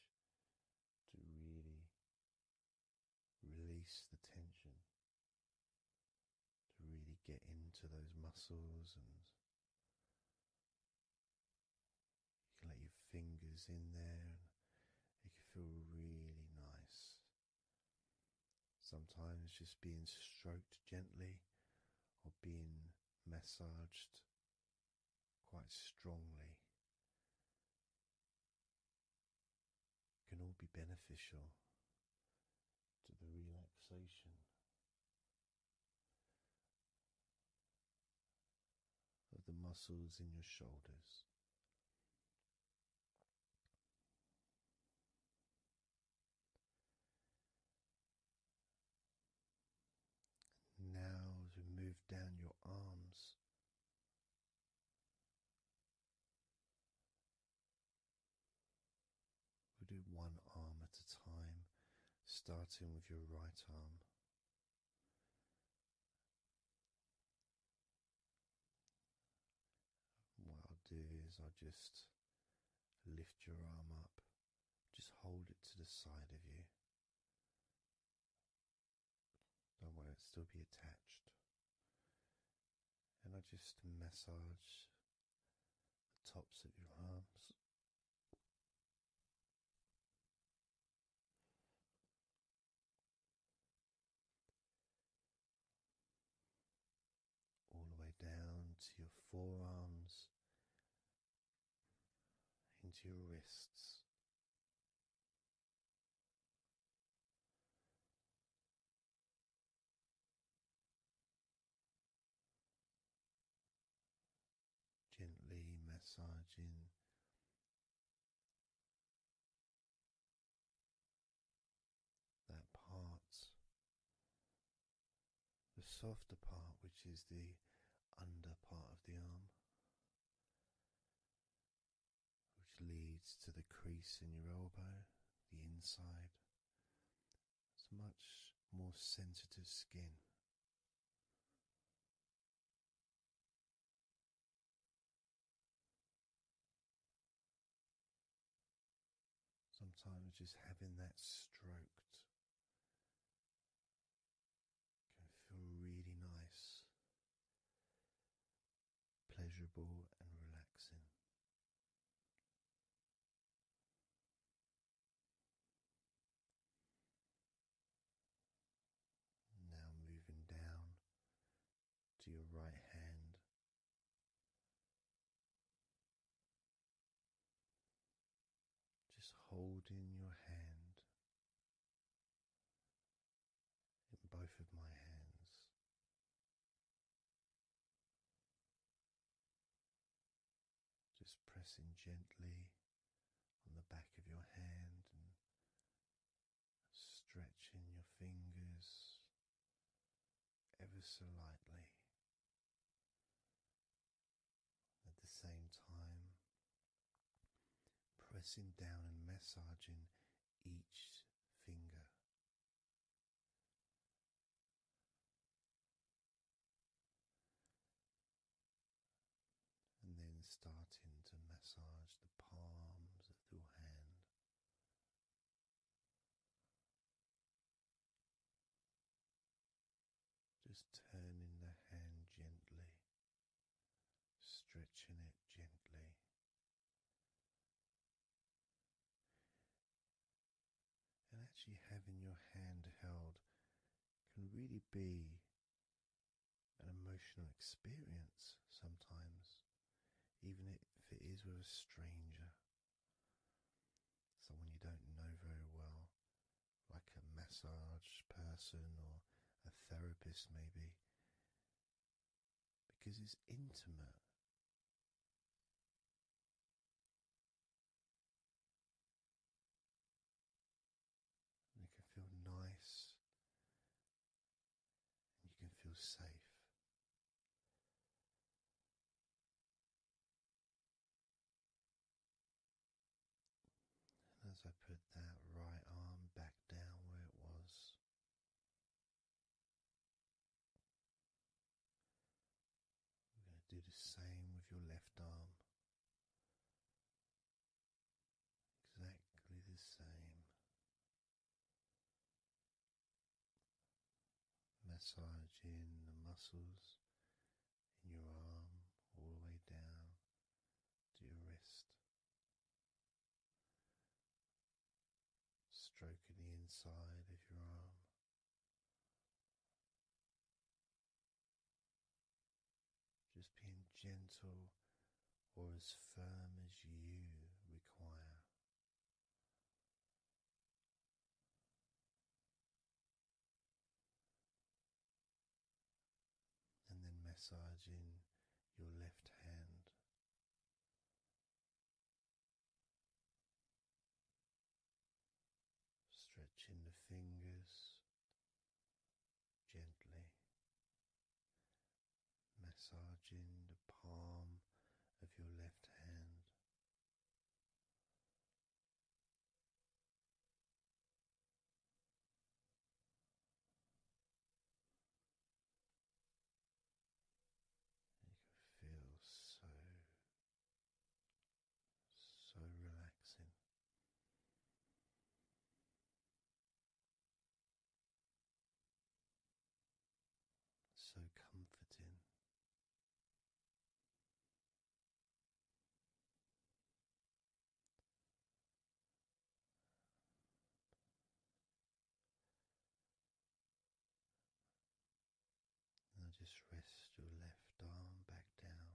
to really release the tension to really get into those muscles and you can let your fingers in there it can feel really nice. Sometimes just being stroked gently or being massaged quite strongly can all be beneficial to the relaxation of the muscles in your shoulders. now, as we move down your arms, We'll do one arm at a time, starting with your right arm. What I'll do is I'll just lift your arm up, just hold it to the side of you. Don't worry, it'll still be attached and I just massage the tops of your arms. All the way down to your forearms, into your wrists, Gently massaging that part, the softer part, which is the under part of the arm, which leads to the crease in your elbow, the inside. It's much more sensitive skin. Sometimes just having that stroked can feel really nice, pleasurable, and relaxing. Now moving down to your right hand. Just holding your hand in both of my hands just pressing gently on the back of your hand and stretching your fingers ever so lightly. At the same time, pressing down and massaging each finger and then starting to massage the palms of your hand. Just turning the hand gently, stretching it gently and actually having your hand held can really be an emotional experience sometimes, even if it is with a stranger, someone you don't know very well, like a massage person or a therapist, maybe, because it's intimate. And can feel nice you can feel safe. as I put that right arm back down where it was, we're going to do the same with your left arm. Exactly the same. Massaging the muscles in your arm all the way down to your wrist. Stroking the inside of your arm. Just being gentle or as firm as you require. And then massaging your left hand Stretching the fingers gently, massaging the palm of your left hand. You can feel so so relaxing. So comforting. Now just rest your left arm back down.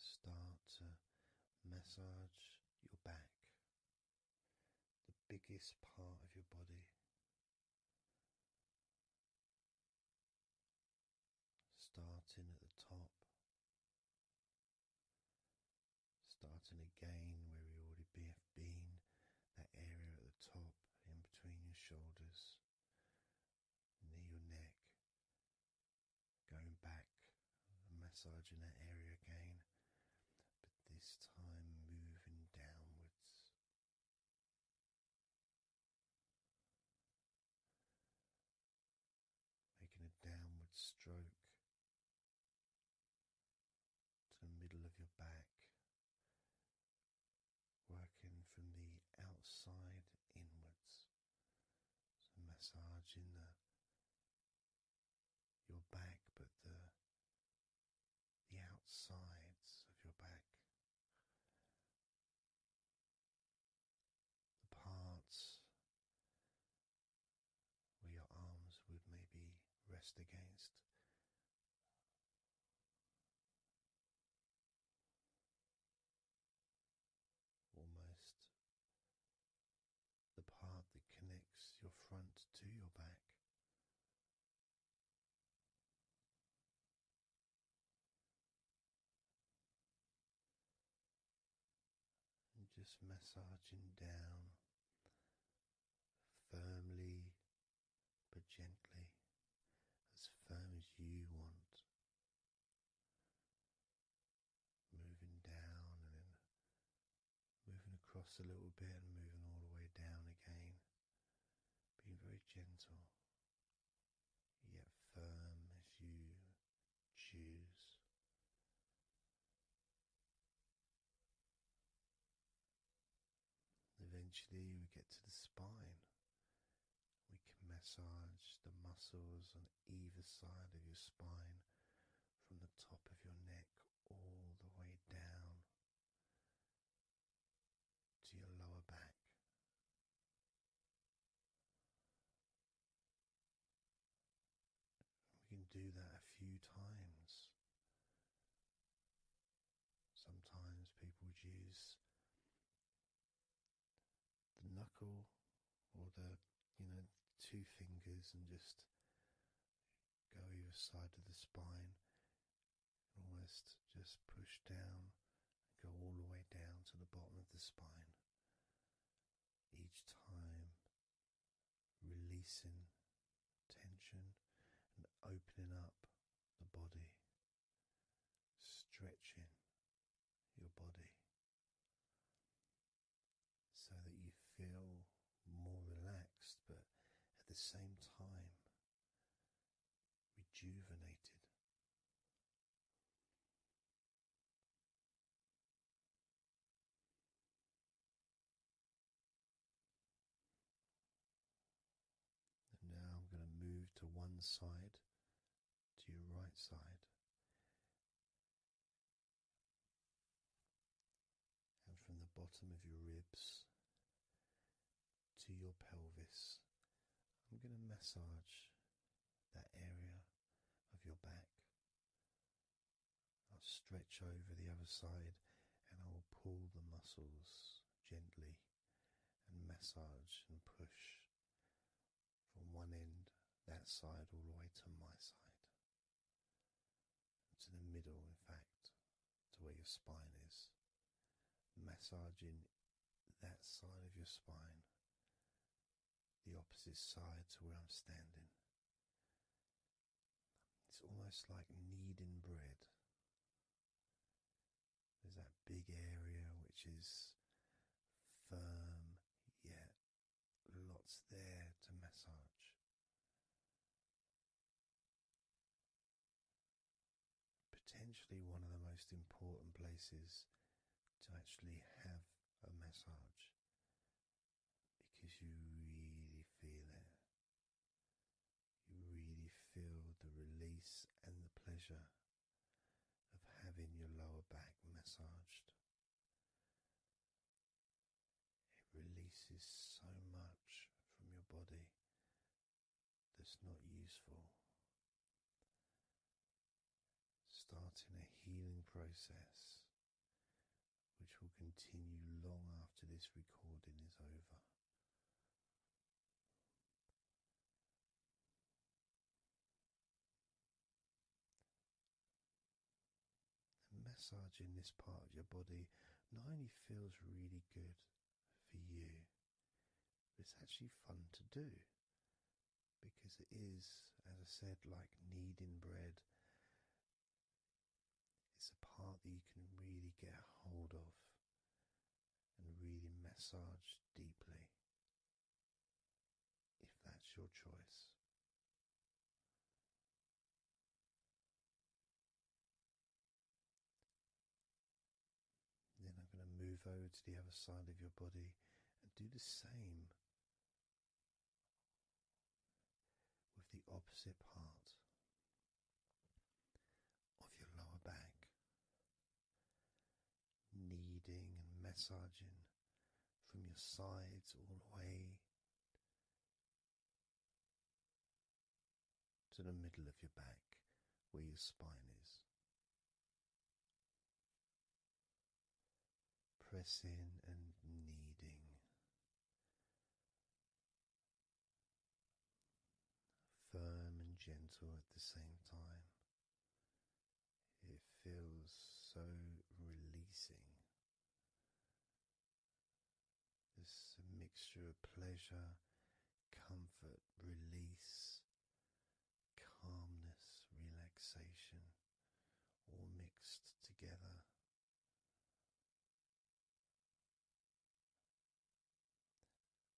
Start to massage your back, the biggest part of your body. Starting at the top starting again where we already have been, that area at the top, in between your shoulders, near your neck, going back massaging that area again, but this time moving downwards. Making a downward stroke to the middle of your back, working from the outside inwards. So, massaging the your back, but the the outsides of your back, the parts where your arms would maybe rest against. Almost the part that connects your front to your back just massaging down firmly but gently, as firm as you want. Moving down and then moving across a little bit and moving all the way down again. Being very gentle, yet firm as you choose. Eventually, we get to the spine. We can massage the muscles on either side of your spine from the top of your neck all the way down to your lower back. We can do that a few times. Sometimes people use the knuckle or the you know two fingers and just go either side of the spine almost just push down go all the way down to the bottom of the spine each time releasing tension and opening up the body, stretching your body so that you feel more relaxed but at the same time rejuvenated. And now I'm going to move to one side, to your right side, and from the bottom of your ribs to your pelvis. I'm going to massage that area of your back I'll stretch over the other side and I will pull the muscles gently and massage and push from one end, that side, all the way to my side. to the middle, in fact, to where your spine is. Massaging that side of your spine, the opposite side to where I'm standing. It's almost like kneading bread. There's that big area which is firm, yet lots there to massage. Potentially one of the most important places to actually have a massage because you really feel it. You really feel the release and the pleasure of having your lower back massaged. It releases so much from your body that's not useful. Starting a healing process which will continue long after this recording is over. And massaging this part of your body not only feels really good for you, it's actually fun to do because it is, as I said, like kneading bread it's a part that you can really get hold of and really massage deeply if that's your choice. Then I'm going to move over to the other side of your body and do the same with the opposite part of your lower back, kneading and massaging from your sides all the way to the middle of your back where your spine is. Pressing and kneading Firm and gentle at the same time. It feels so releasing. This mixture of pleasure, comfort, release, calmness, relaxation, all mixed together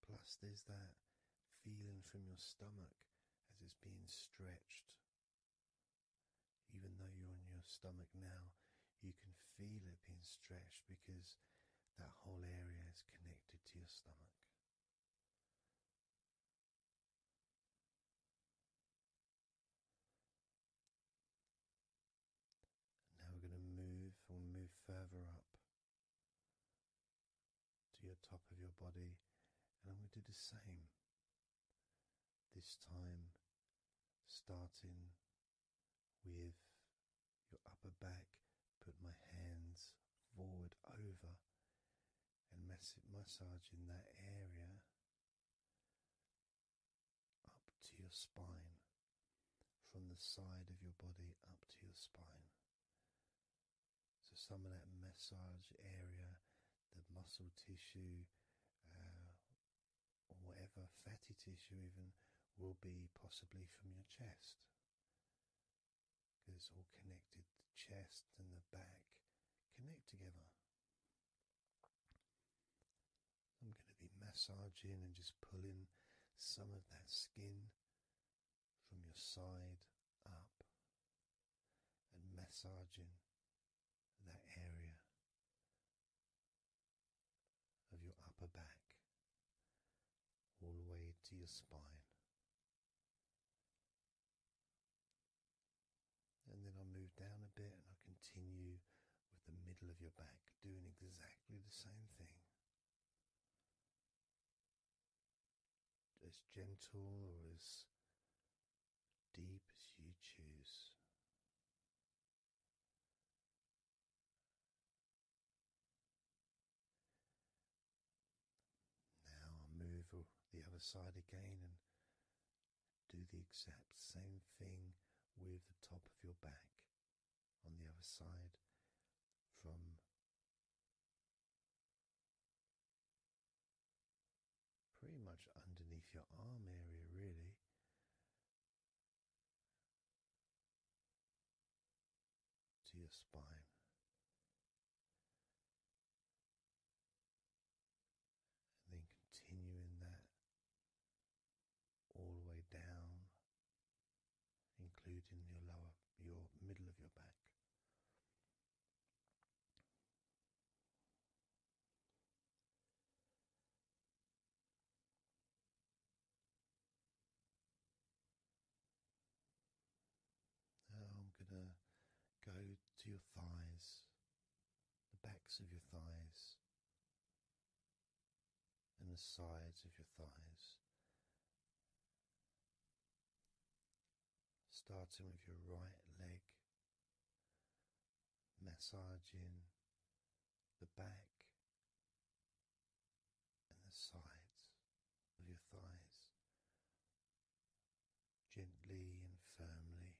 Plus, there's that feeling from your stomach as it's being stretched. Even though you're on your stomach now, you can feel it being stretched because that whole area is connected to your stomach now we're going to move, we'll move further up to your top of your body, and I'm going to do the same. This time, starting with your upper back, put my hands forward over and mass massaging that area up to your spine, from the side of your body up to your spine. So, some of that massage area, the muscle tissue, uh, or whatever fatty tissue, even will be possibly from your chest because it's all connected. The chest and the back connect together. I'm going to be massaging and just pulling some of that skin from your side up and massaging that area of your upper back all the way to your spine. And then I will move down a bit and I will continue with the middle of your back doing exactly the same thing. As gentle or as deep as you choose. Now i move the other side again and do the exact same thing with the top of your back on the other side from pretty much underneath your arm area, really. To your spine, and then continuing that all the way down, including your lower, your middle of your back. I'm going to go to your thighs, the backs of your thighs and the sides of your thighs, starting with your right leg, massaging the back and the sides of your thighs gently and firmly.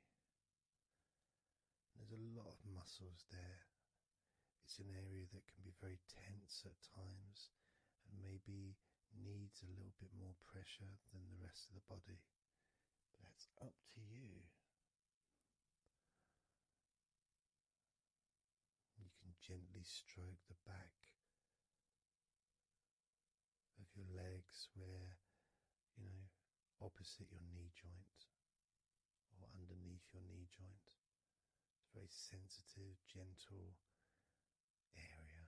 There's a lot of muscles there. It's an area that can be very tense at times and maybe needs a little bit more pressure than the rest of the body. But that's up to you. You can gently stroke the back of your legs where, you know, opposite your knee joint or underneath your knee joint. It's a very sensitive, gentle area.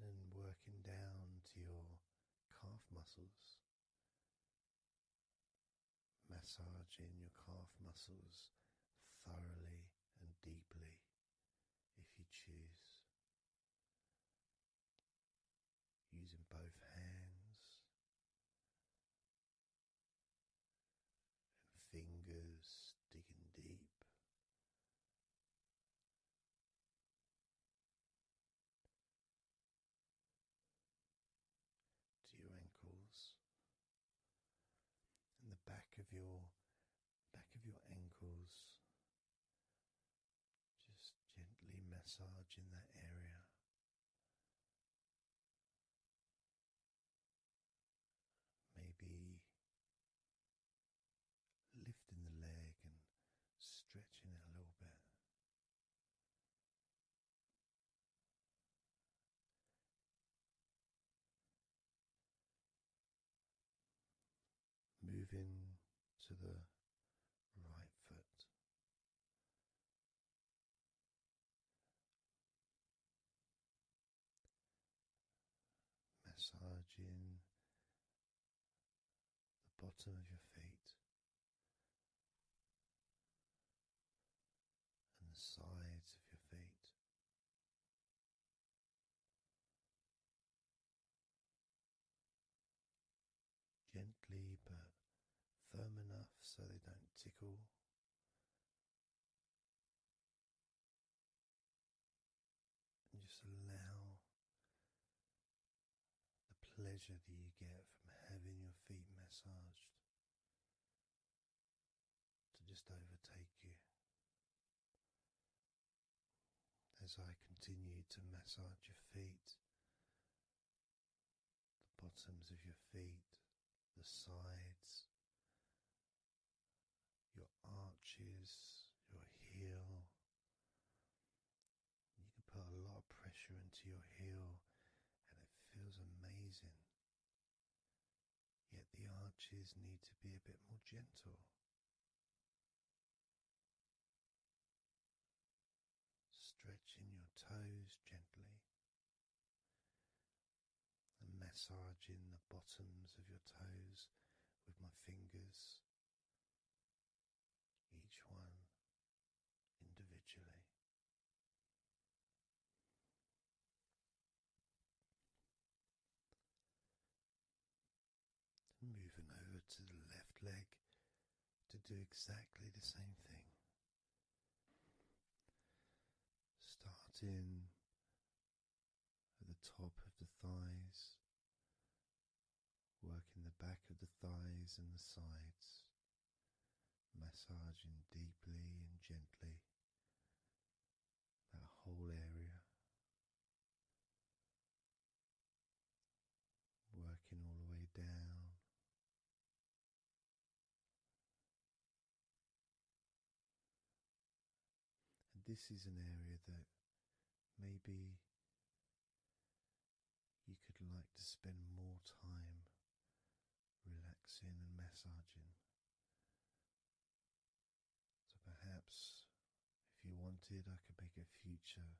And working down to your calf muscles, massaging your calf muscles thoroughly and deeply if you choose using both hands and fingers, digging deep. To your ankles and the back of your back of your ankles just gently massage in that area. Maybe lifting the leg and stretching it a little bit moving to the right foot. Massaging the bottom of your feet and the sides of your feet, Gently but firm enough so they don't tickle. And just allow the pleasure that you get from having your feet massaged to just overtake you. As I continue to massage your feet, the bottoms of your feet, the sides, your arches, your heel. You can put a lot of pressure into your heel and it feels amazing. Yet the arches need to be a bit more gentle. Stretching your toes gently and massaging the bottoms of your toes with my fingers, each one individually. Moving over to the left leg to do exactly the same thing. Starting at the top of the thighs, working the back of the thighs and the sides, massaging deeply and gently that whole area working all the way down. And this is an area that maybe you could like to spend more time relaxing and massaging. So perhaps if you wanted, I could make a future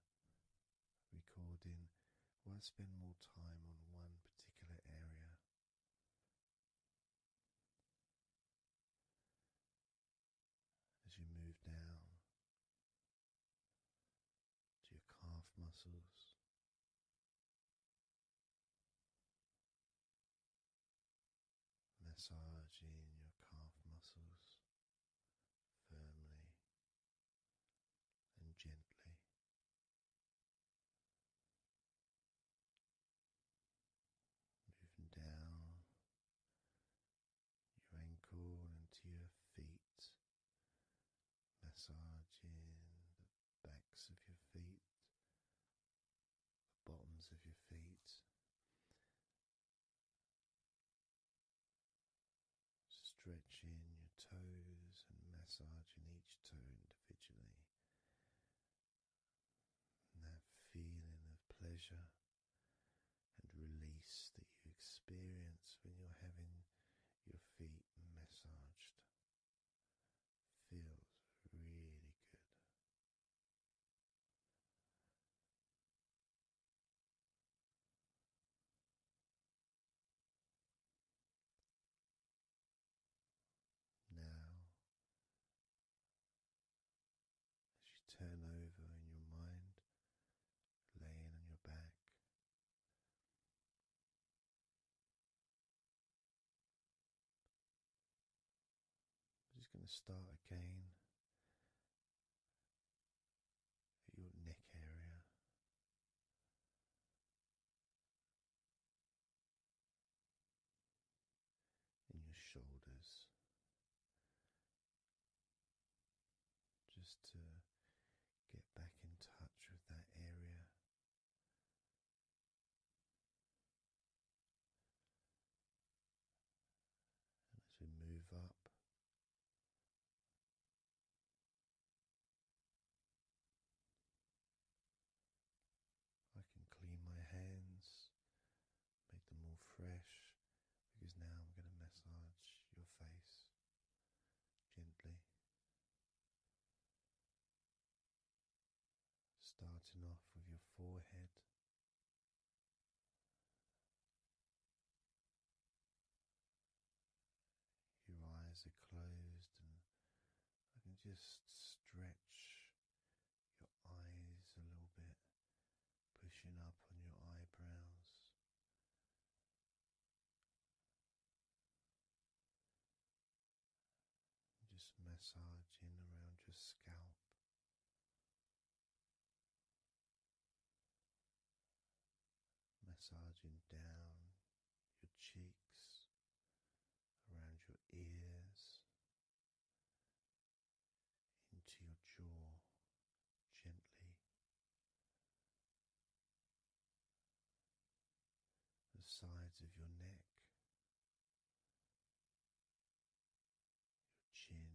recording where I spend more time on one particular area. As you move down to your calf muscles. Massaging your calf muscles, firmly and gently. Moving down your ankle into your feet, massaging the backs of your feet, the bottoms of your feet, Stretching your toes and massaging each toe individually. that feeling of pleasure and release that you experience when you're having your feet massaged feels really good. Now, as you turn over in your mind, laying on your back, I'm just going to start again your neck area. and your shoulders, just to get back in touch with that area, and as we move up I can clean my hands, make them more fresh, because now I'm going to massage your face gently. Starting off with your forehead, your eyes are closed, and I can just stretch your eyes a little bit, pushing up on your eyebrows. Just massaging around your scalp, massaging down your cheeks, around your ears, into your jaw gently. The sides of your neck, your chin,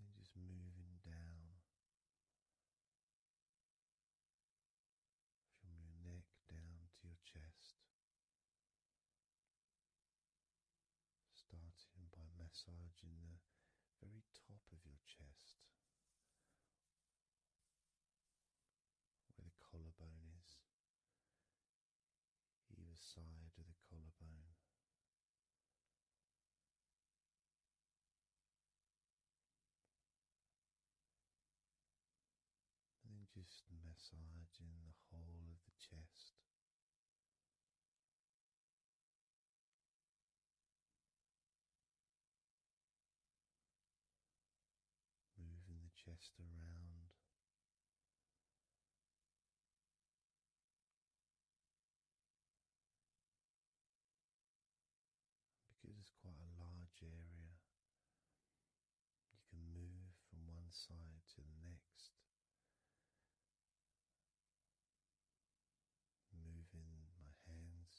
then just moving down from your neck down to your chest, starting by massaging the very top of your chest where the collarbone is, either side of the collarbone. And then just massaging the whole of the chest moving the chest around. Because it's quite a large area, you can move from one side to the next, moving my hands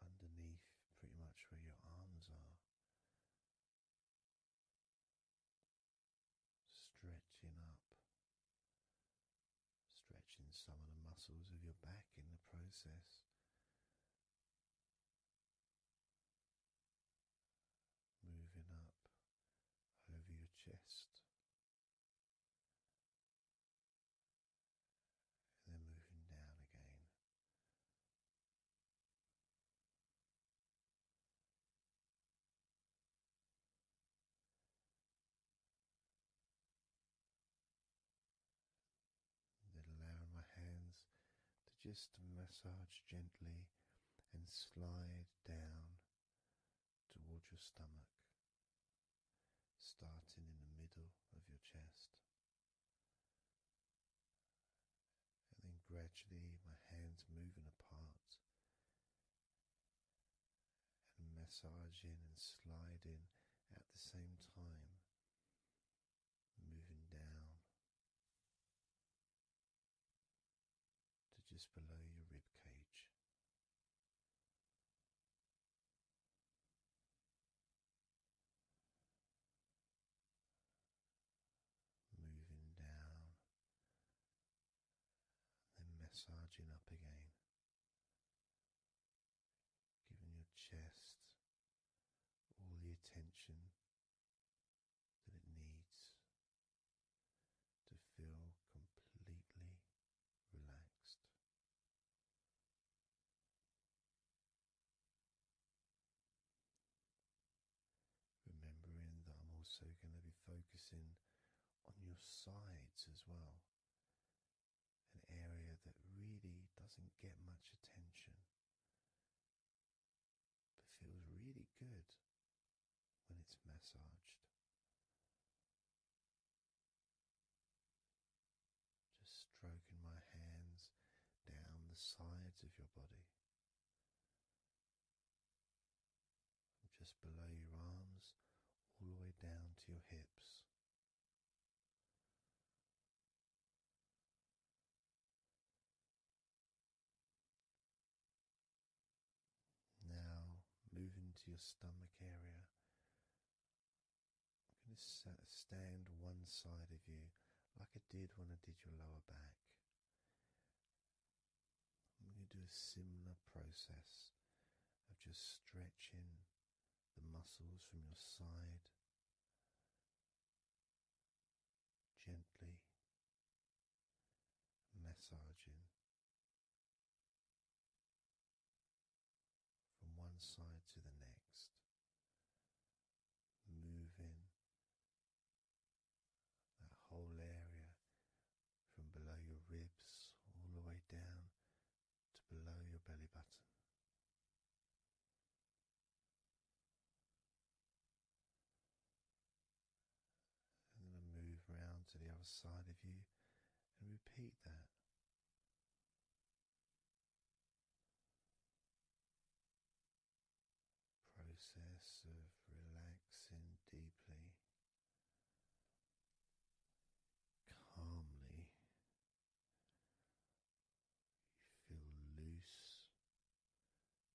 underneath pretty much where your arms are. Stretching up, stretching some of the muscles of your back in the process, moving up over your chest, and then moving down again. Then allowing my hands to just massage gently and slide down towards your stomach starting in the middle of your chest. And then gradually my hands moving apart and massaging and sliding at the same time, moving down to just below your rib cage moving down, and then massaging up again, giving your chest all the attention that it needs to feel completely relaxed. Remembering that I'm also going to be focusing on your sides as well, an area that really doesn't get much attention but feels really good when it's massaged. Just stroking my hands down the sides of your body. just below your arms, all the way down to your hips. Now move into your stomach area I'm going to stand one side of you like I did when I did your lower back. I'm going to do a similar process of just stretching the muscles from your side gently massaging from one side to the next, moving that whole area from below your ribs all the way down to below your belly button. And then move round to the other side of you and repeat that process of relaxing deeply, calmly. You feel loose,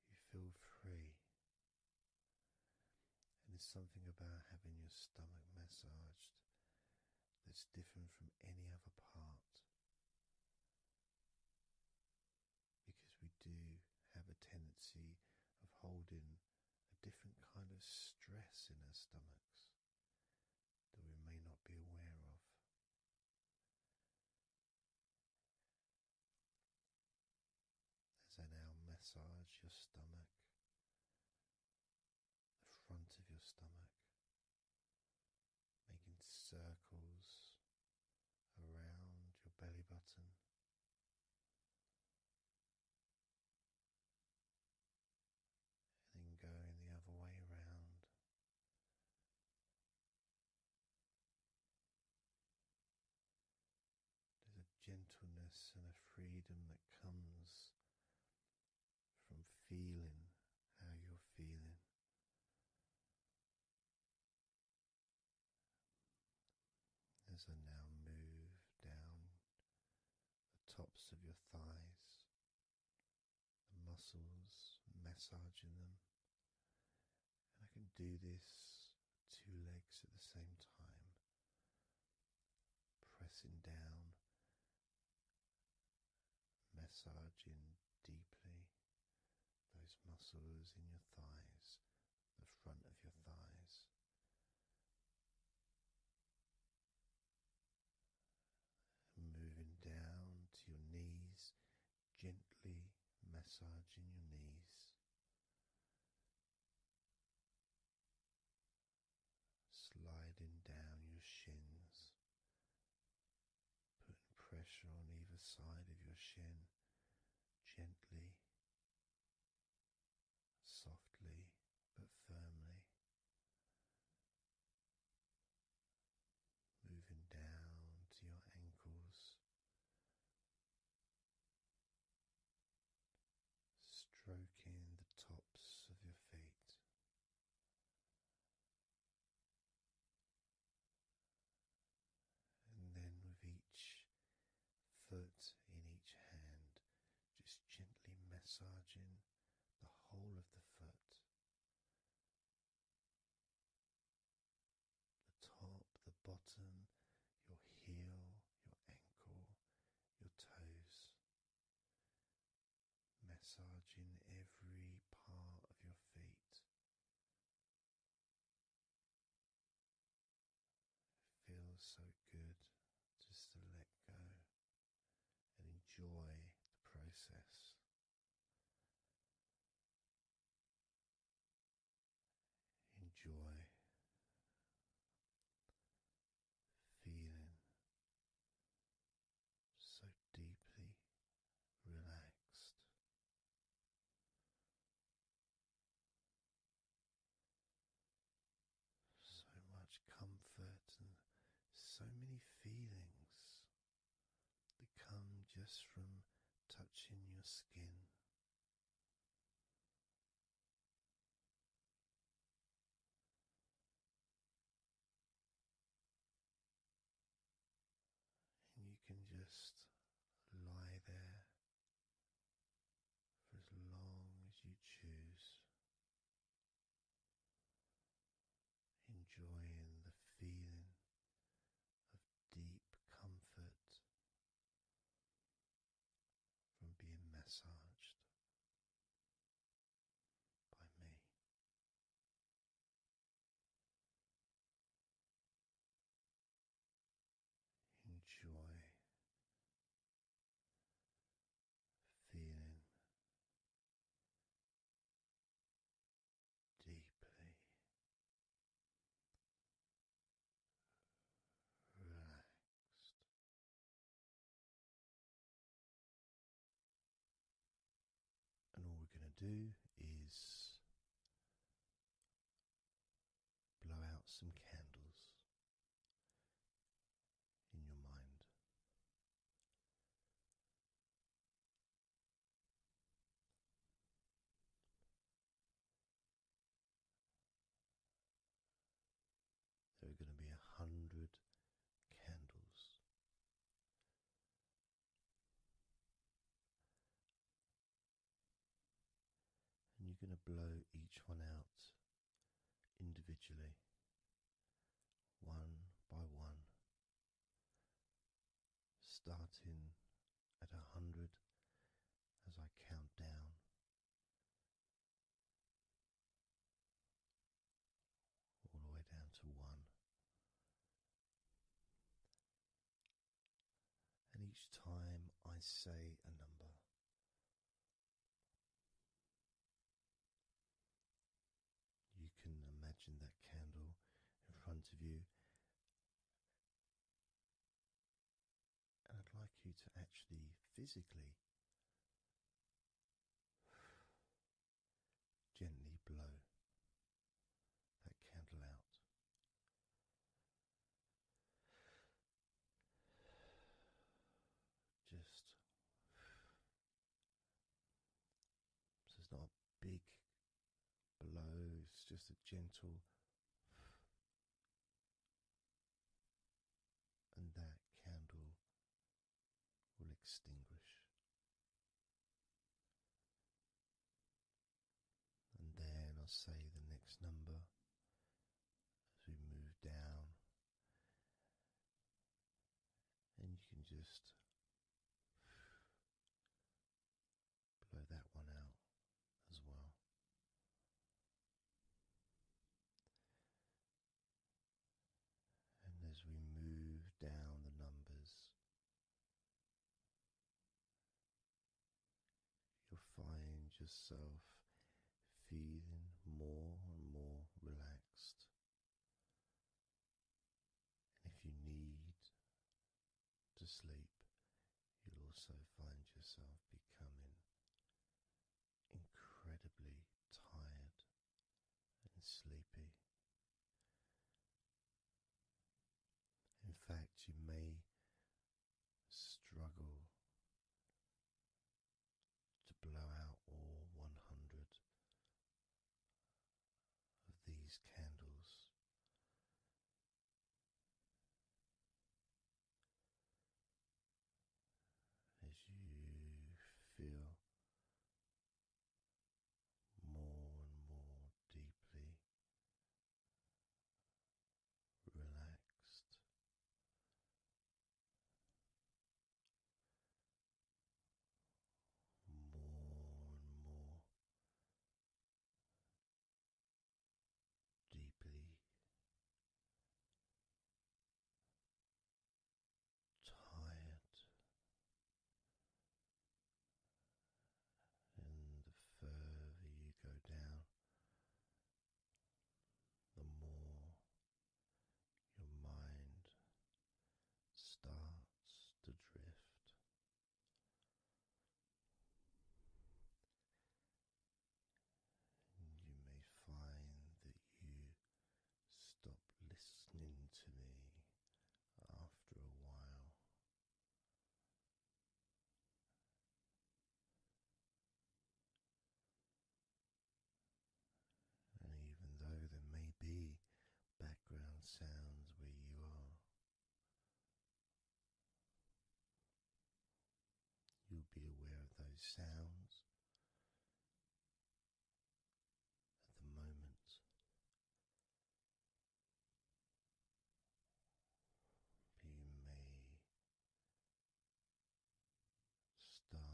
you feel free. And there's something about having your stomach massaged that's different from any other part. Because we do have a tendency of holding a different kind of stress in our stomachs that we may not be aware of. As I now massage your stomach, the front of your stomach, making circles around your belly button. And then going the other way around, there's a gentleness and a freedom that comes from feeling how you're feeling. As I now move down the tops of your thighs, the muscles, massaging them, and I can do this two legs at the same time, pressing down massaging deeply those muscles in your thighs, the front of your thighs. Moving down to your knees, gently massaging your knees, sliding down your shins, putting pressure on either side of your shin gently, softly, but firmly. Moving down to your ankles, stroking the tops of your feet, and then with each foot in each hand, just gently massaging the whole of the foot, the top, the bottom, your heel, your ankle, your toes massaging every part of your feet. feels so good just to let go and enjoy the process. Enjoy feeling so deeply relaxed. So much comfort and so many feelings that just from touching your skin and you can just lie there for as long as you choose, enjoying the feeling of deep comfort from being massaged by me. Enjoy feeling deeply relaxed. And all we're going to do is blow out some candles in your mind. There are going to be a hundred candles and you're going to blow each one out individually, one by one, starting at a hundred as I count down. All the way down to one, and each time I say a number, you can imagine that candle in front of you. And I'd like you to actually physically Gently blow that candle out. Just so it's not a big blow, it's just a gentle. And that candle will extinguish. And then I'll say the next number as we move down. And you can just blow that one out as well. And as we move down the numbers, You'll find yourself feeling more and more relaxed. And if you need to sleep, you'll also find yourself becoming incredibly tired and sleepy. In fact, you may struggle to blow out all 100 of these candles. As you feel more and more deeply relaxed. More and more deeply tired, and the further you go down, the more your mind starts to drift. you may find that you stop listening to me after a while. And even though there may be background sounds where you are, you'll be aware of those sounds at the moment but you may start to just not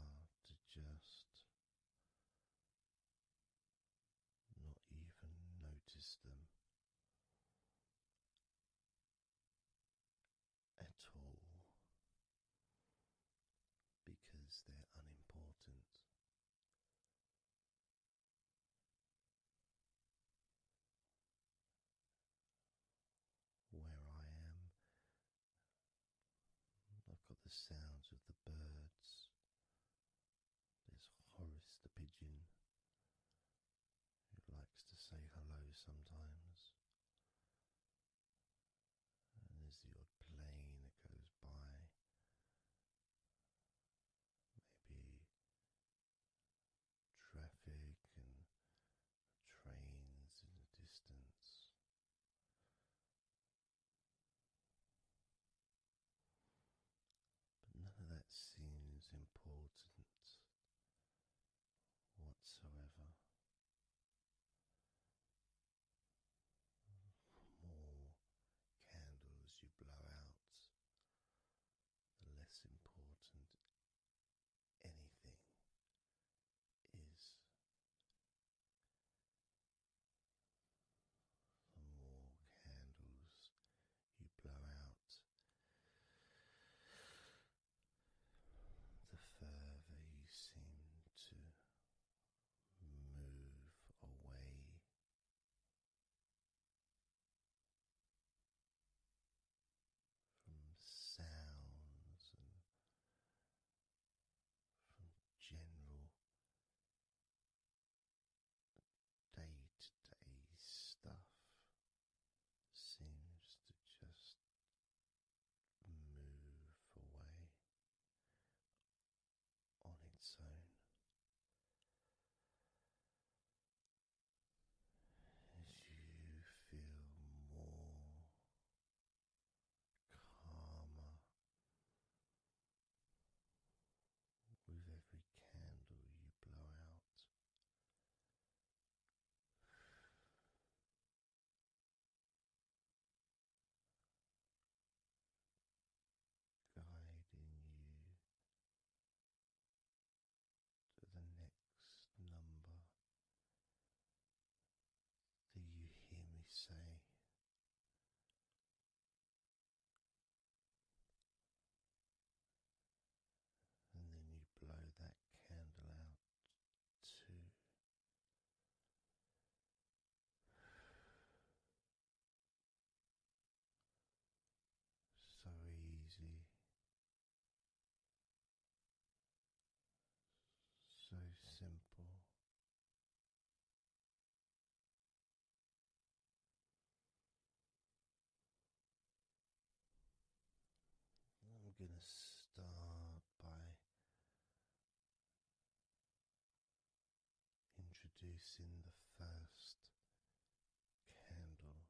even notice them at all because they're unimportant where I am. I've got the sounds of the birds. There's Horace the pigeon who likes to say hello sometimes. And there's the plane that goes by maybe traffic and trains in the distance. But none of that seems important whatsoever. more candles you blow out, the less important anything is. The more candles you blow out, the further you seem to move away from sounds and from general day to day stuff seems to just move away on its own as you feel more calmer with every candle you blow out guiding you to the next number that you hear me say. And then you blow that candle out too so easy, so simple. I'm going to start by introducing the first candle,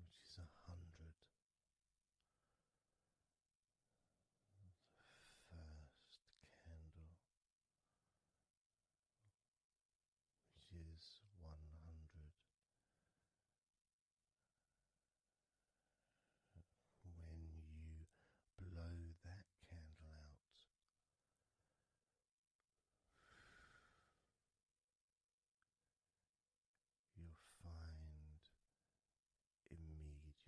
which is a hundred. The first candle, which is one hundred. When you blow that candle out, You'll find immediately a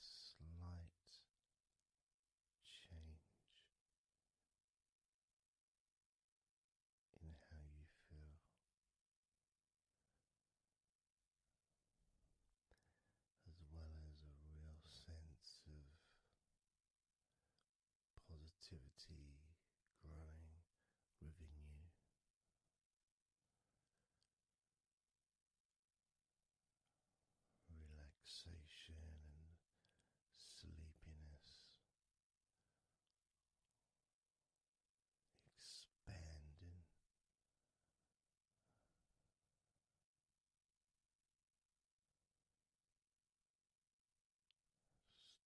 slight change in how you feel as well as a real sense of positivity growing within you. Relaxation and sleepiness expanding starting with one hundred.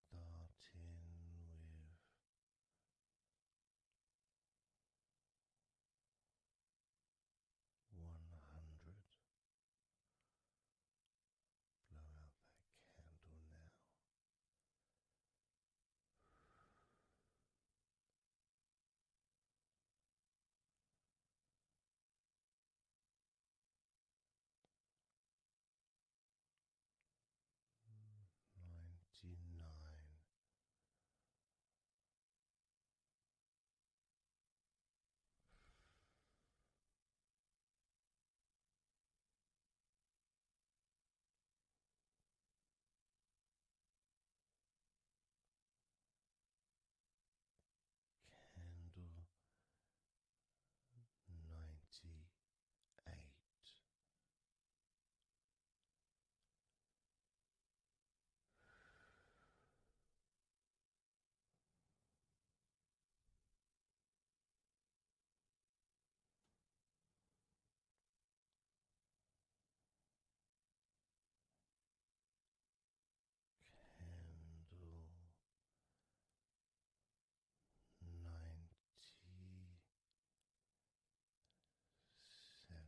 Blow out that candle now. Ninety nine candle ninety eight candle ninety seven.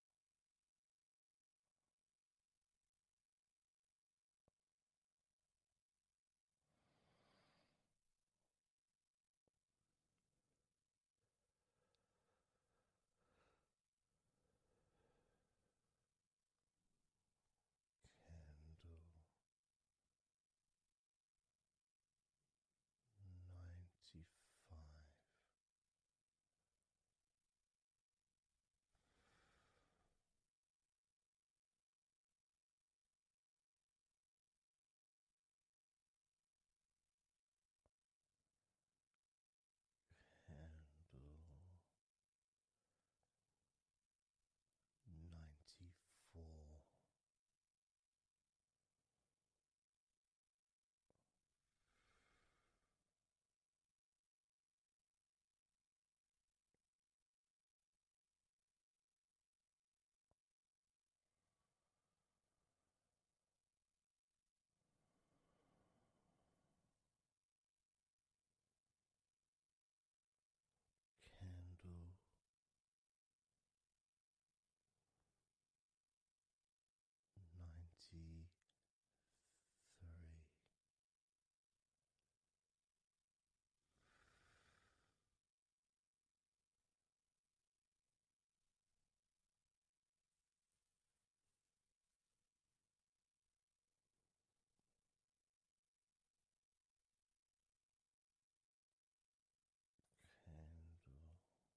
Candle ninety five. Candle ninety four candle ninety three. Candle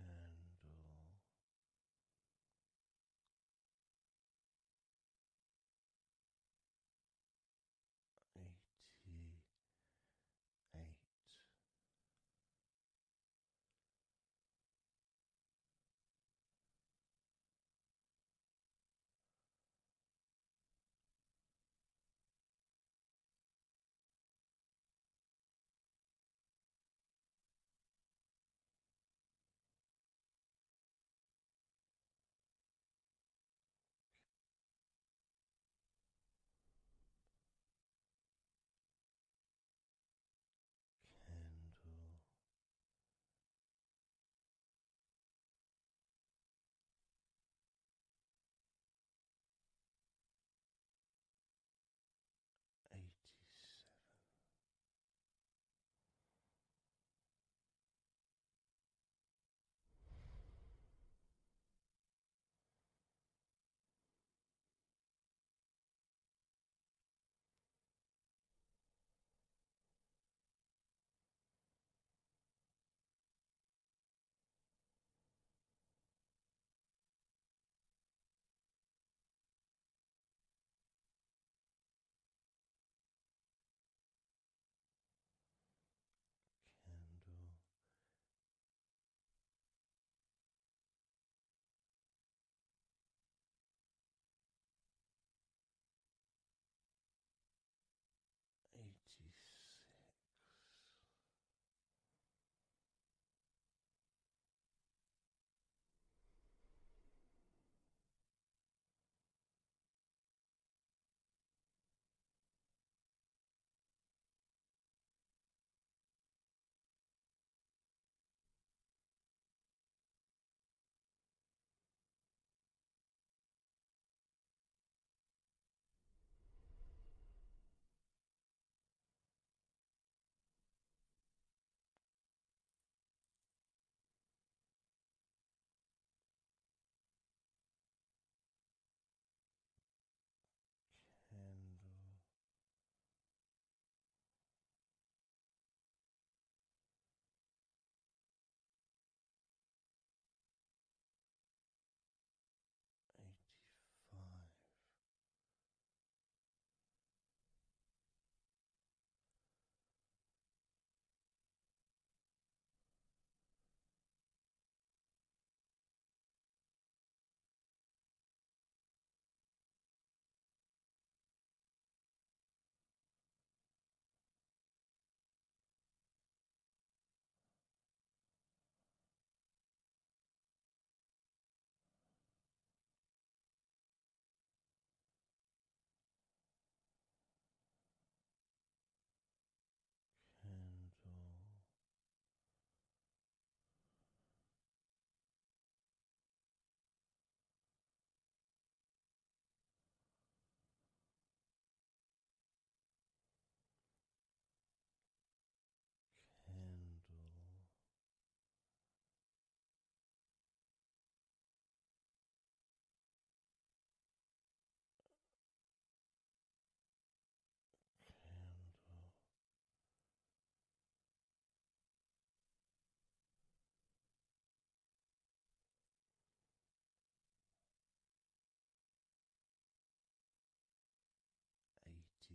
candle. Eighty eight. Candle Eighty seven. Candle Eighty six. Candle eighty-five. Candle candle. Candle eighty two.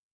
Handle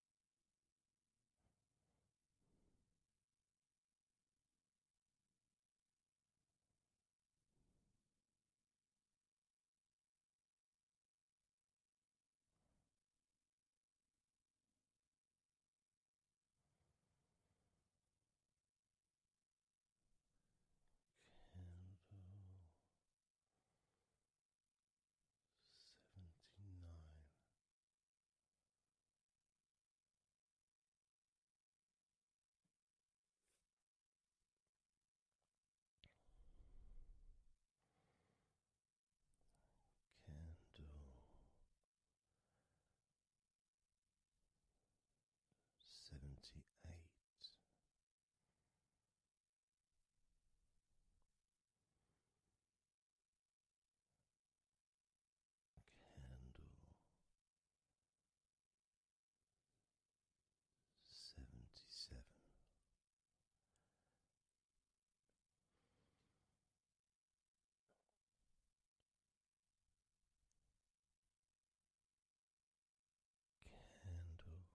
Candle seventy nine. Seventy eight. Candle seventy seven. Candle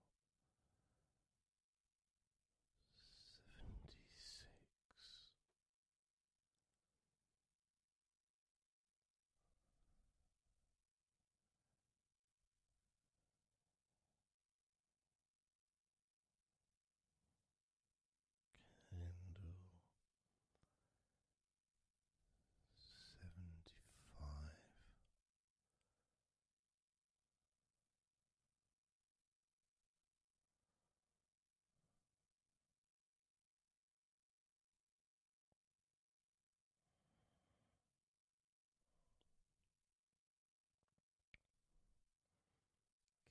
seventy six. Candle seventy five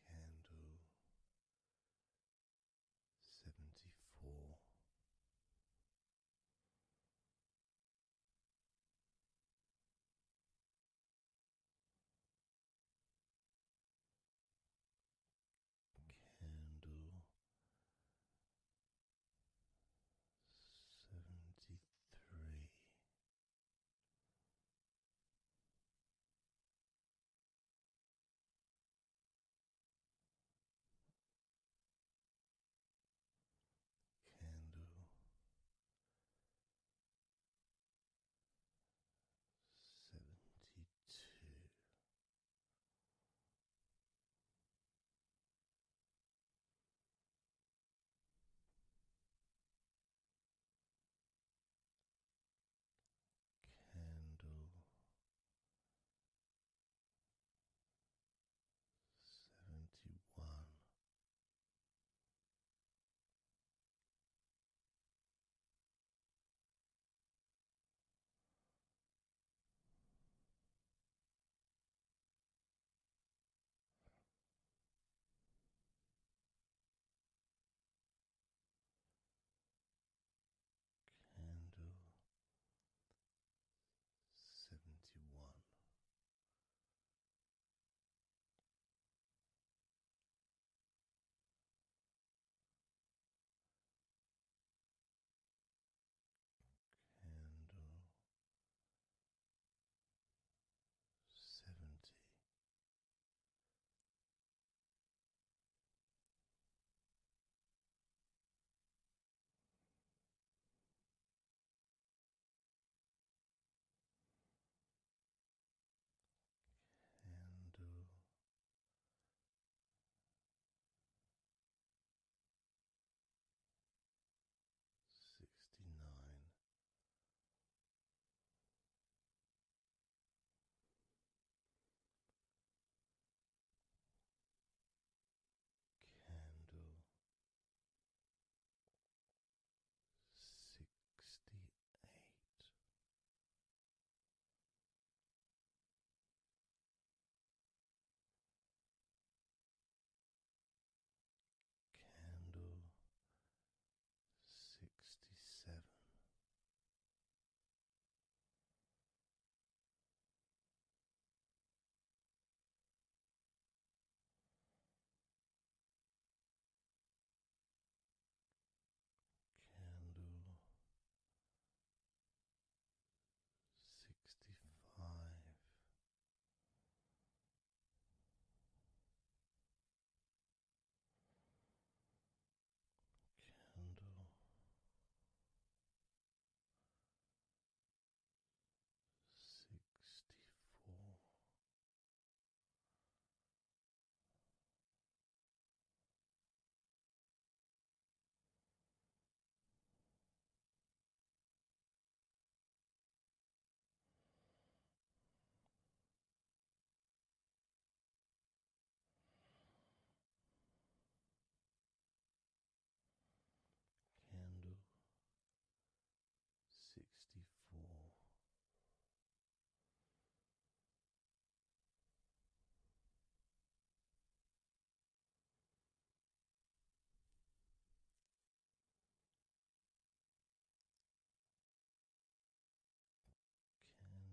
Candle seventy four. Candle seventy three. Candle seventy two. Candle seventy one. Candle seventy one. Candle seventy. Uh, candle. Sixty nine, candle sixty eight. Candle sixty seven. Candle sixty five. Candle sixty four, Candle sixty four.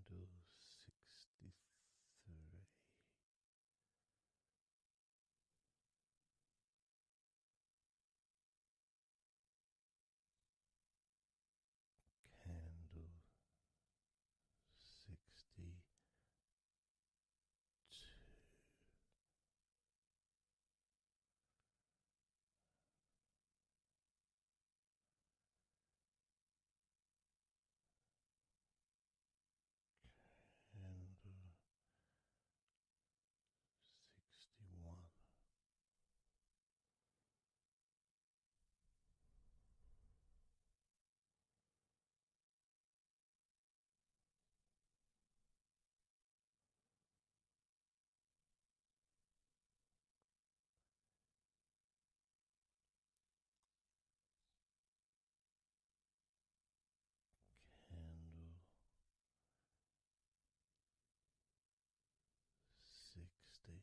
Candle sixty three candle sixty two. Candle sixty one, Candle sixty.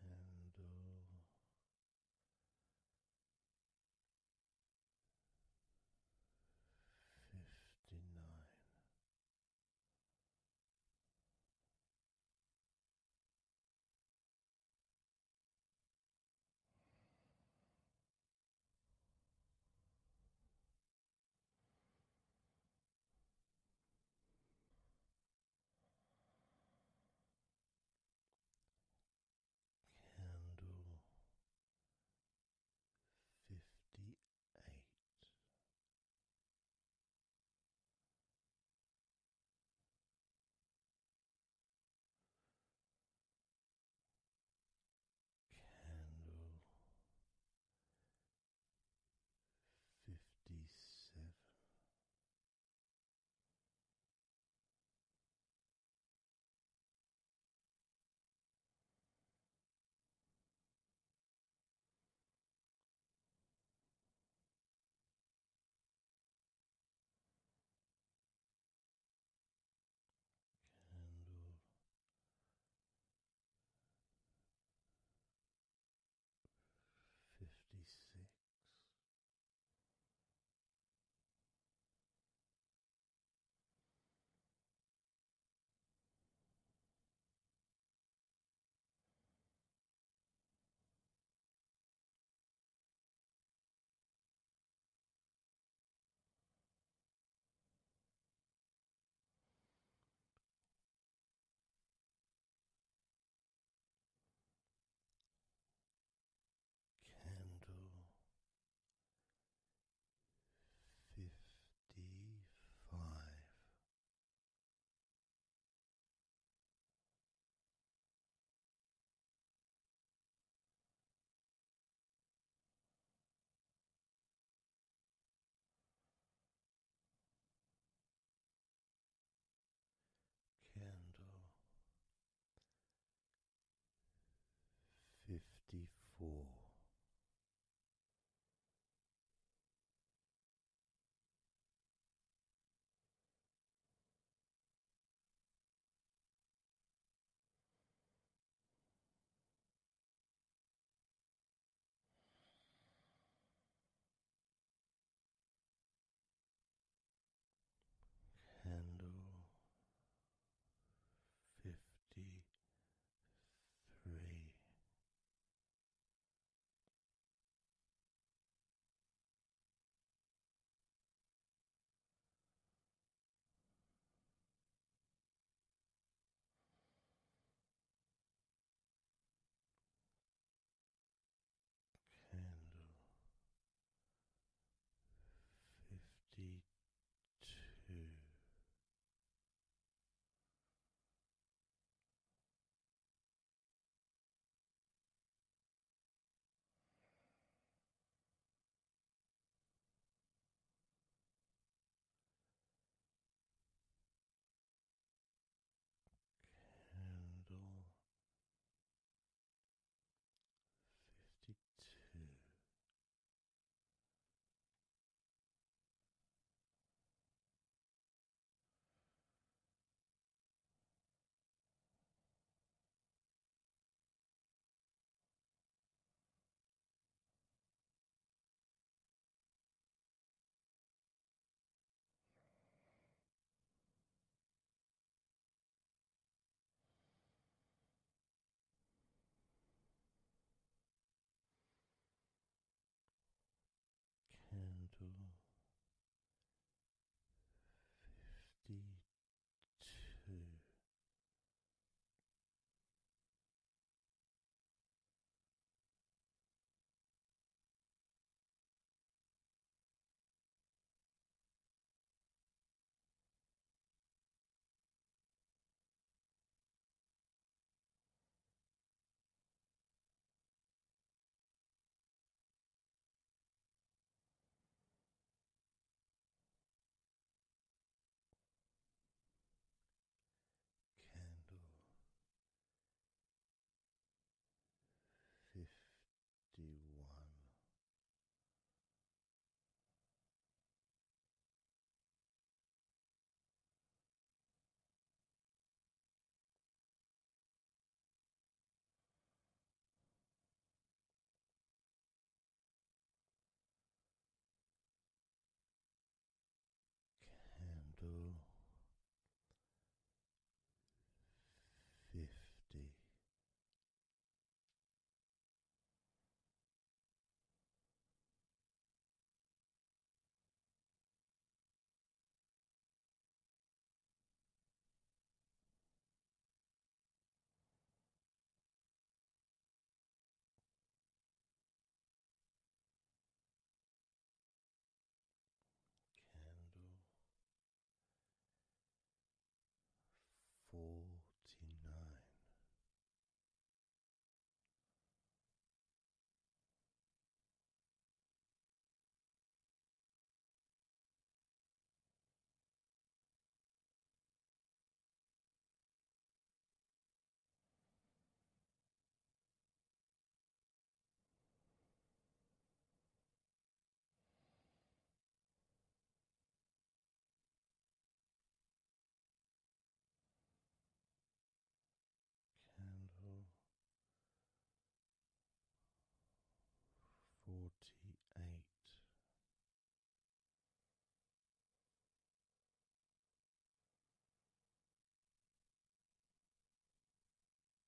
Candle. Uh, Fifty nine, Candle fifty eight. Candle fifty seven. Candle fifty six. Candle fifty five. Candle fifty four. Candle fifty three candle fifty two. Candle fifty two. Candle fifty two Candle fifty one candle fifty candle forty nine. Candle forty eight.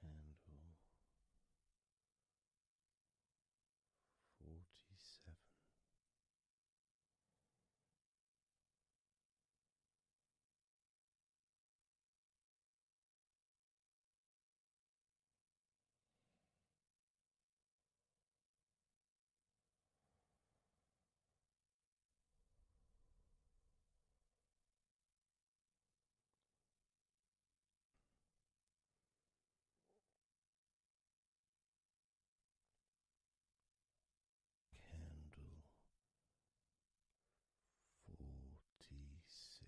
Candle forty seven. Candle forty six.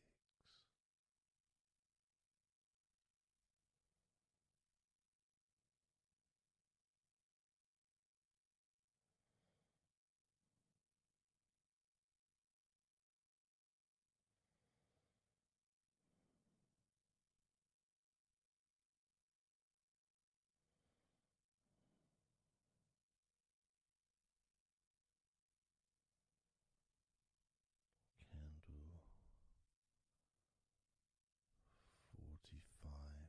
Candle forty five.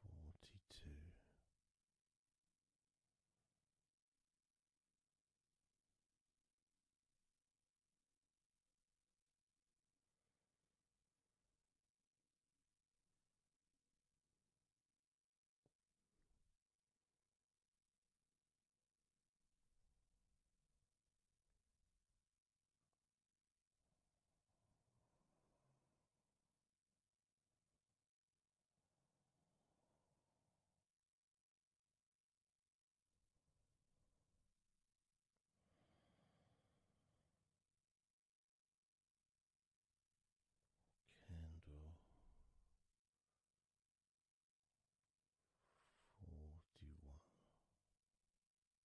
forty two. Candle forty one.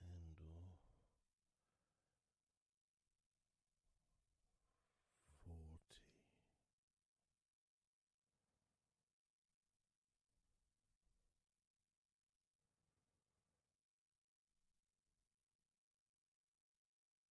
Candle forty.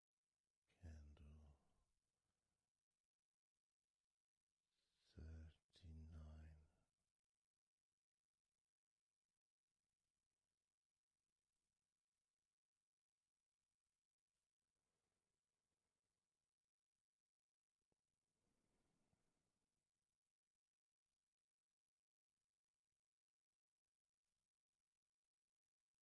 candle thirty nine thirty-eight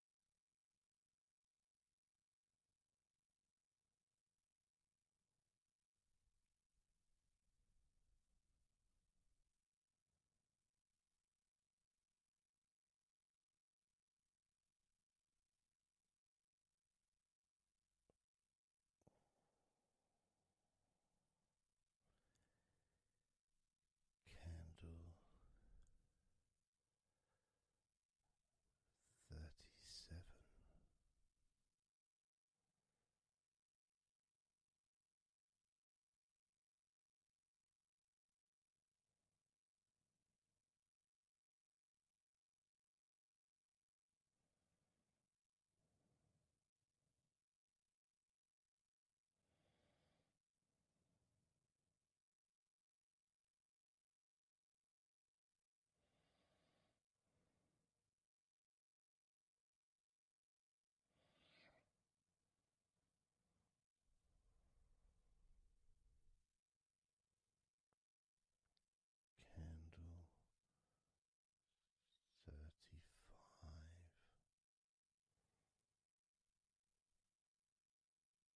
Candle thirty seven. Candle thirty five.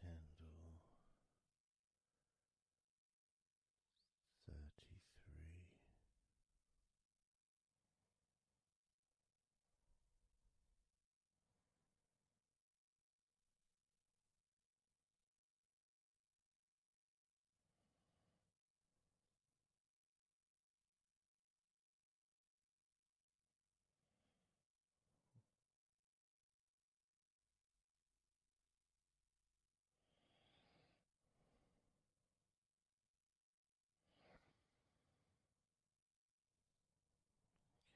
candle thirty three.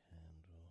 Candle thirty one.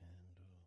Candle thirty.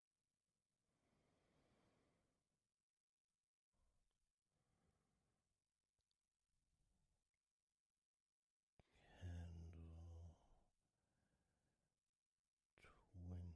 Candle twenty nine.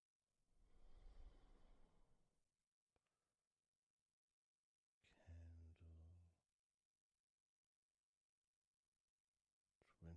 twenty eight.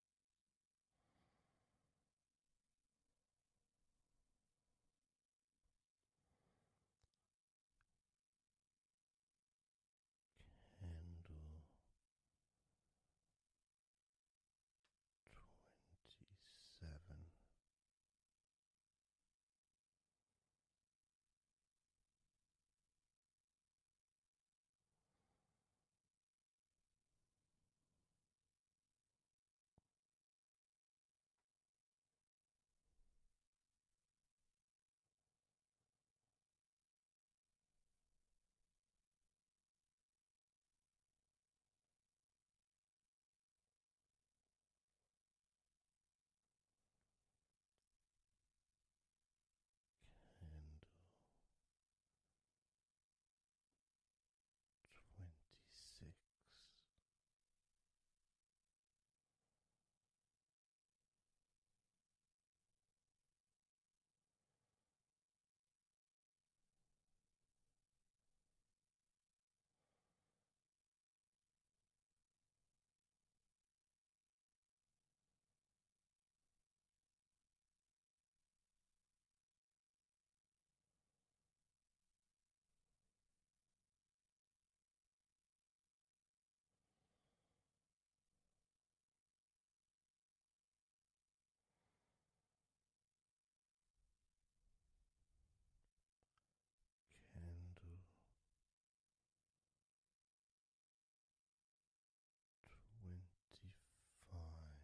Candle twenty seven candle twenty six. Candle twenty five.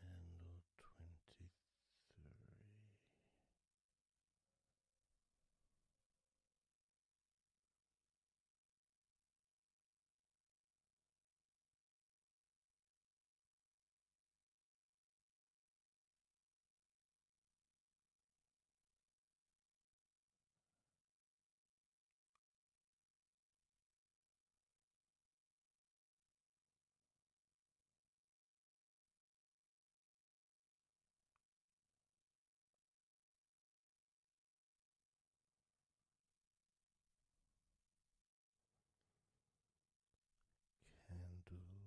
Candle twenty three. Candle twenty two.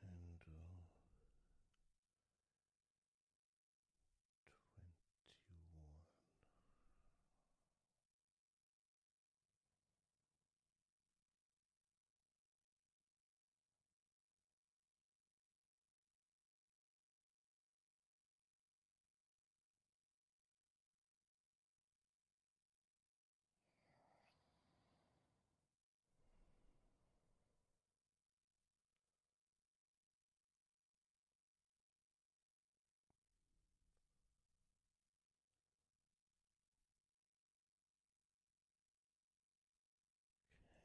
Candle twenty one.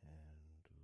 Candle twenty.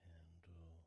Candle nineteen.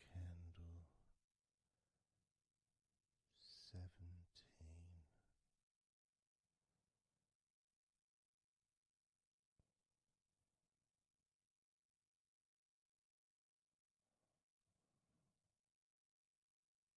Candle seventeen.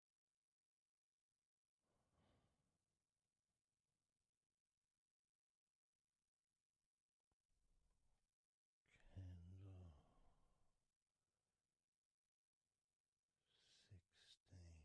Candle sixteen.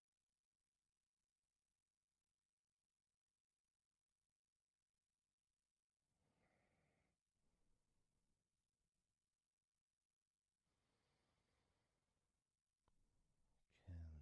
Candle fourteen.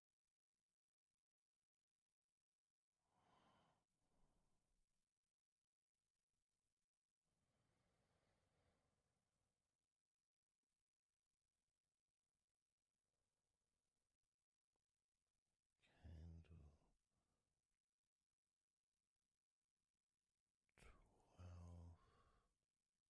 Candle twelve.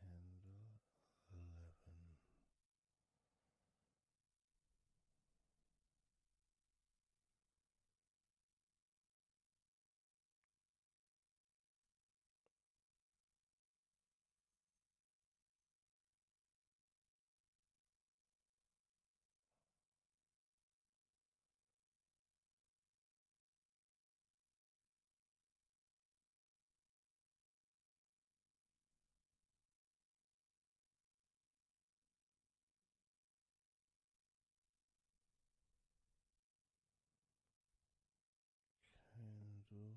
Candle eleven. Candle ten.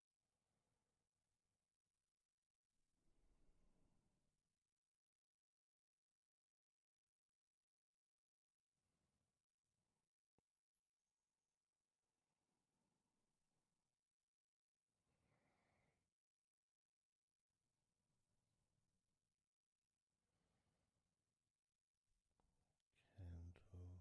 Candle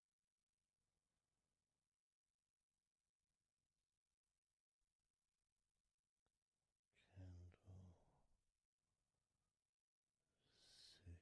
Candle six.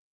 Candle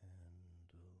candle three.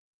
Cancel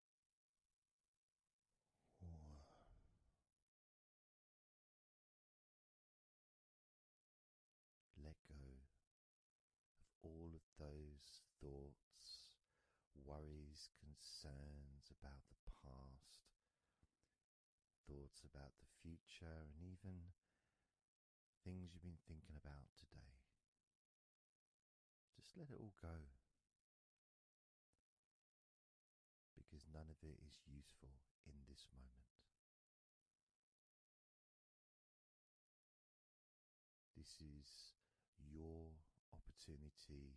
Let go of all of those thoughts, worries, concerns about the past, thoughts about the future, and even things you've been thinking about today. Just let it all go because none of it is useful in this moment. This is your opportunity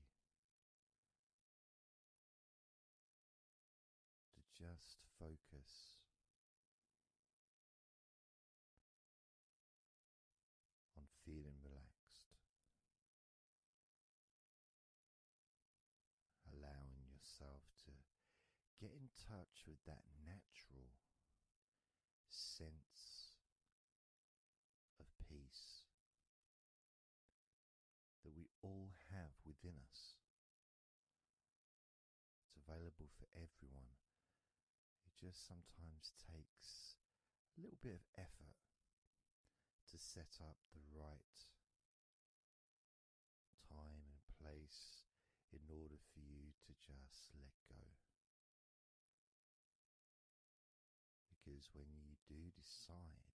to just focus on feeling relaxed, allowing yourself to get in touch with that natural sense of peace that we all have within us. It's available for everyone it just sometimes takes a little bit of effort to set up the right time and place in order for you to just let go. Because when you do decide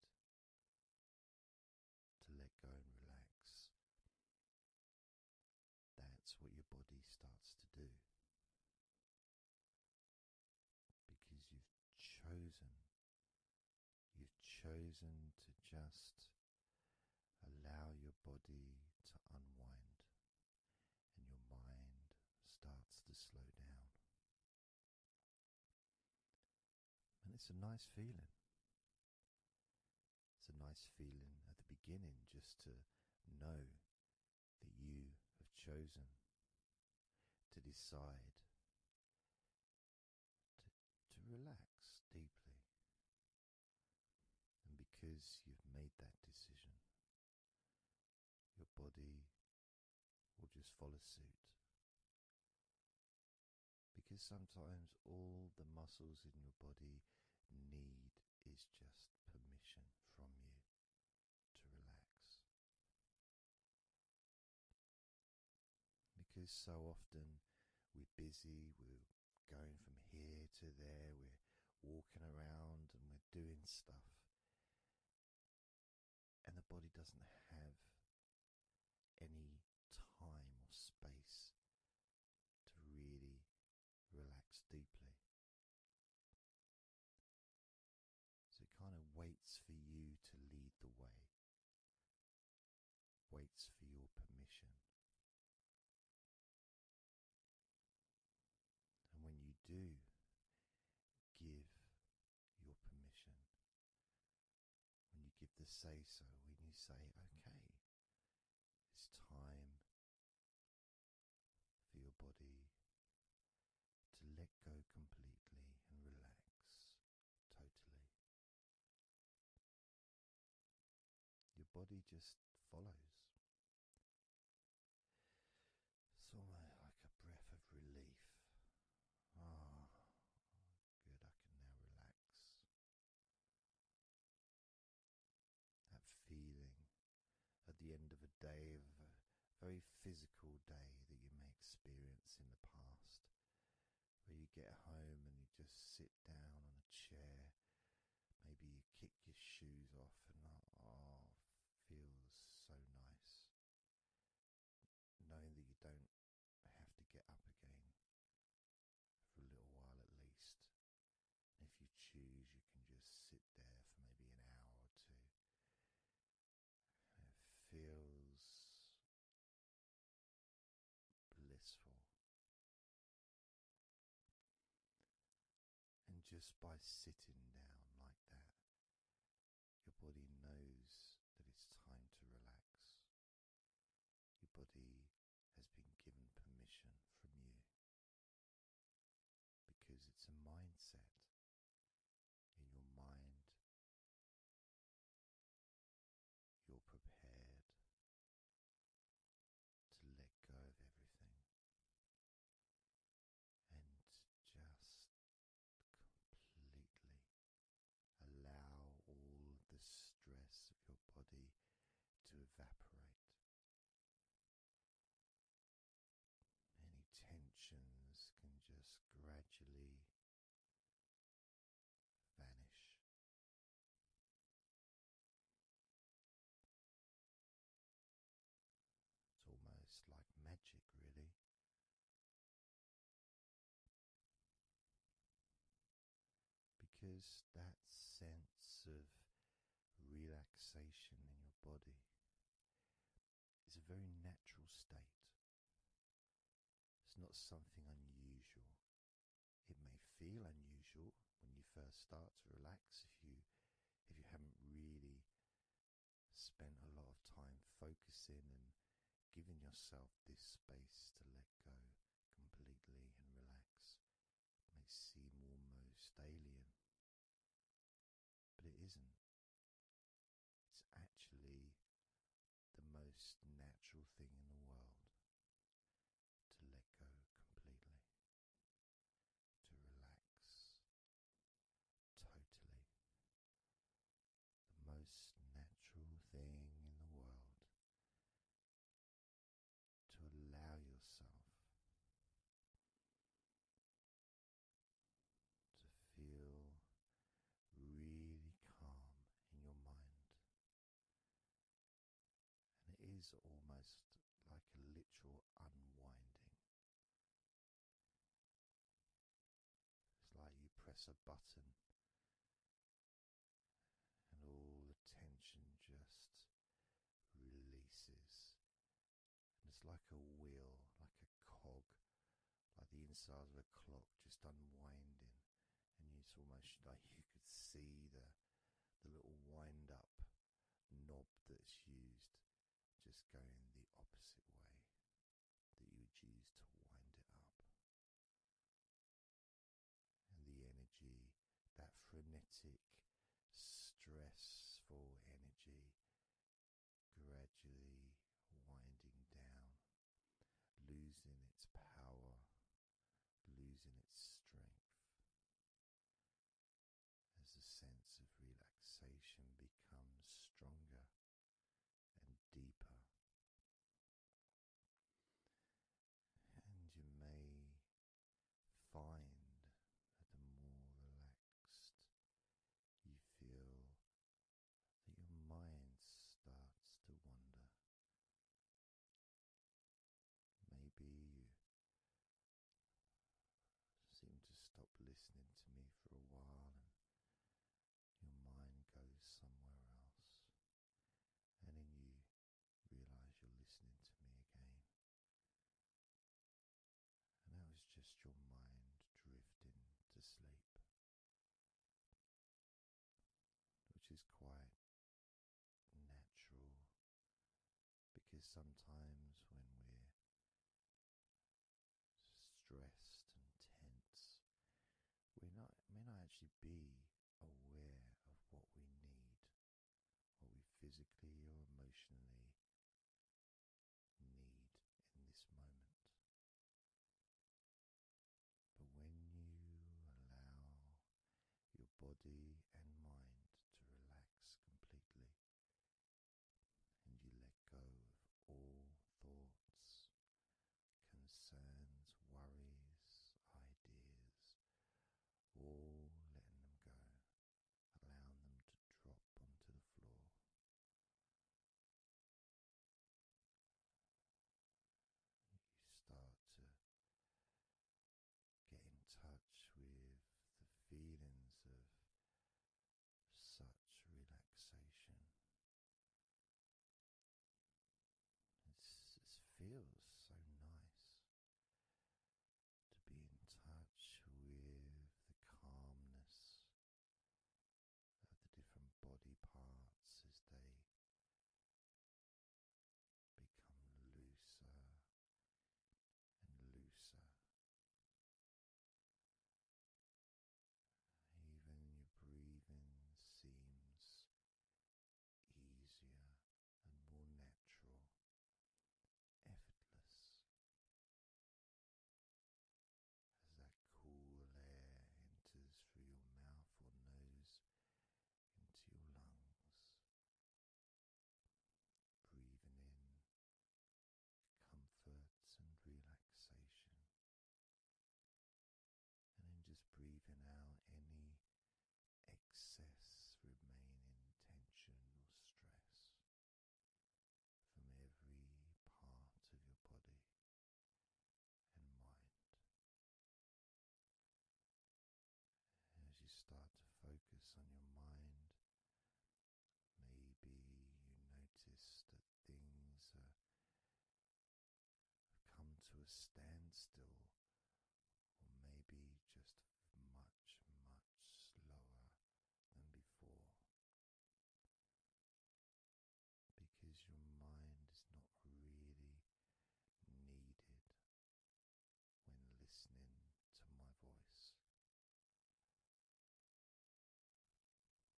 to let go and relax, that's what your body starts to do because you've chosen, you've chosen to just allow your body to unwind and your mind starts to slow down. And it's a nice feeling. It's a nice feeling at the beginning just to know that you have chosen to decide to, relax deeply. And because you've made that decision, your body will just follow suit. Because sometimes all the muscles in your body need is just permission from you to relax. Because so often we're busy, we're going from here to there, we're walking around and we're doing stuff, and the body doesn't have any time or space to really relax deeply. So it kind of waits for you to lead the way, waits for your permission. And when you do give your permission, when you give the say so, when you say, okay, it's time for your body to let go completely and relax totally. Your body just follows. It's almost like a breath of relief. oh, good, I can now relax. That feeling at the end of a day, of a very physical day that you may experience in the past, where you get home and you just sit down on a chair, maybe you kick your shoes off, and oh, feels so nice knowing that you don't have to get up again for a little while at least. if you choose, you can just sit there for maybe an hour or two it feels blissful. And just by sitting down like that, your body knows that it's time to relax. Your body has been given permission from you because it's a mindset in your mind. You're prepared to let go of everything and just completely allow all the stress of your body to evaporate. Any tensions can just gradually vanish. It's almost like magic, really. Because that sense of relaxation in your body it's a very natural state. It's not something unusual. It may feel unusual when you first start to relax if you if you haven't really spent a lot of time focusing and giving yourself this space to let go completely and relax. It may seem almost alien but it isn't. It's actually the most natural thing in the world to let go completely, to relax totally. The most natural thing in the world to allow yourself to feel really calm in your mind. And it is almost like a literal unwinding. It's like you press a button and all the tension just releases and it's like a wheel, like a cog, like the inside of a clock just unwinding, and it's almost [LAUGHS] like you could see the the little wind up knob that's used just going the opposite way that you would use to wind it up. And the energy, that frenetic, stressful energy gradually winding down, losing its power, losing its strength. As the sense of relaxation becomes stronger and deeper, and you may find that the more relaxed you feel that your mind starts to wander. Maybe you seem to stop listening to me for a while and your mind goes somewhere else, and then you realize you're listening to me again and that was just your mind drifting to sleep, which is quite natural because sometimes when we're stressed and tense, we may not actually be aware of what we need, what we physically or emotionally need in this moment. But when you allow your body and mind to relax completely, and you let go of all thoughts, concerns, worries, ideas, all letting them go, allowing them to drop onto the floor. You start to get in touch with the feelings of such relaxation. it feels so nice to be in touch with the calmness of the different body parts as they become looser and looser. Even your breathing seems easier and more natural, effortless. As that cool air enters through your mouth or nose into your lungs, breathing in comfort and relaxation, and then just breathing out any excess remaining tension or stress from every part of your body and mind. As you start to focus on your mind, maybe you notice that things are, have come to a standstill, or maybe just much, much slower than before because your mind is not really needed when listening to my voice,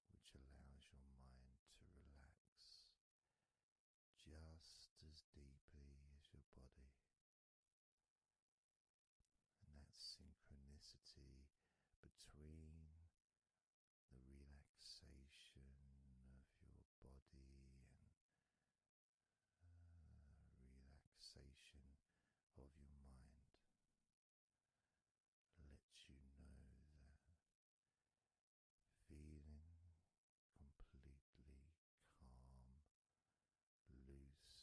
which allows your mind to relax just as deeply as your body. And that synchronicity between the relaxation of your body and uh, relaxation of your mind lets you know that feeling completely calm, loose and relaxed really is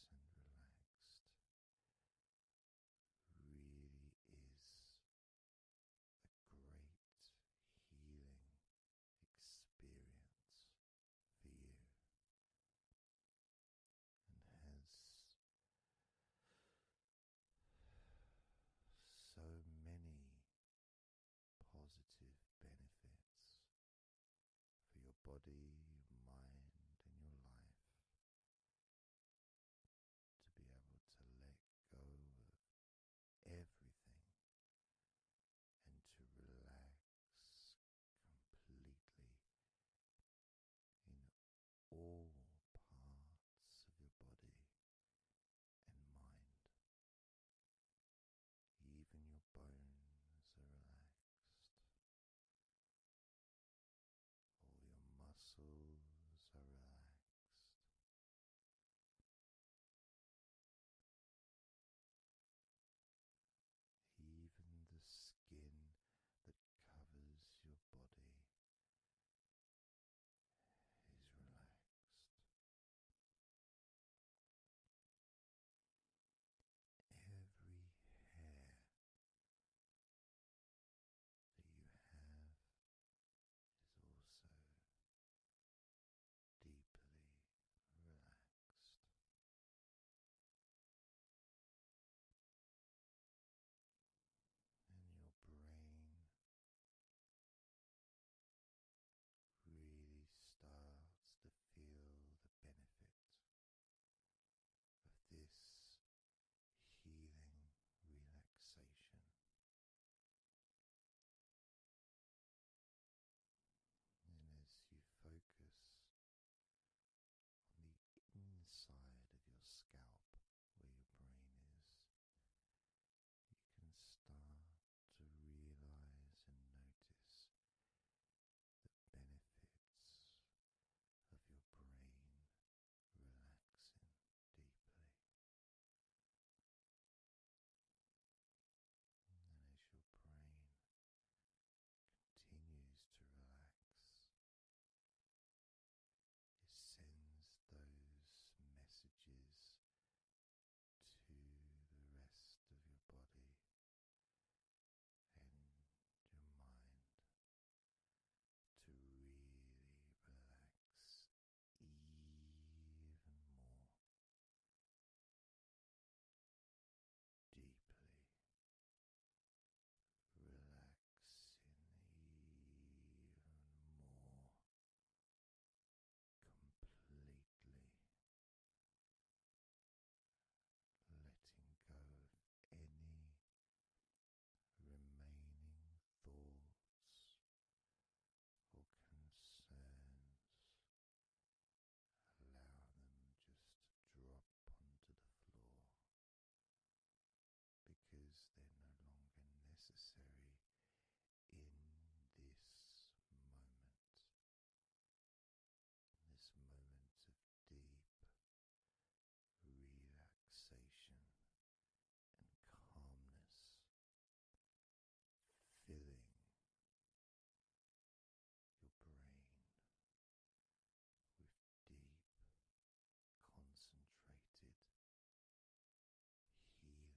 a great healing experience for you and has so many positive benefits for your body, mind, and your life to be able to let go of everything and to relax completely in all parts of your body and mind. Even your bones are relaxed all your muscles are relaxed. Even the skin that covers your body is relaxed. Every hair that you have is also deeply relaxed. And your brain really starts to feel the benefit of this healing relaxation and as you focus on the inside of your scalp where your brain is, you can start to realize and notice the benefits of your brain relaxing deeply. And as your brain continues to relax, it sends those messages to the rest of your body and your mind to really relax even more deeply. Relaxing even more completely, letting go of any remaining thoughts or concerns. Allow them just to drop onto the floor because they're no longer necessary in this moment. This moment of deep relaxation and calmness, filling your brain with deep, concentrated healing. Calming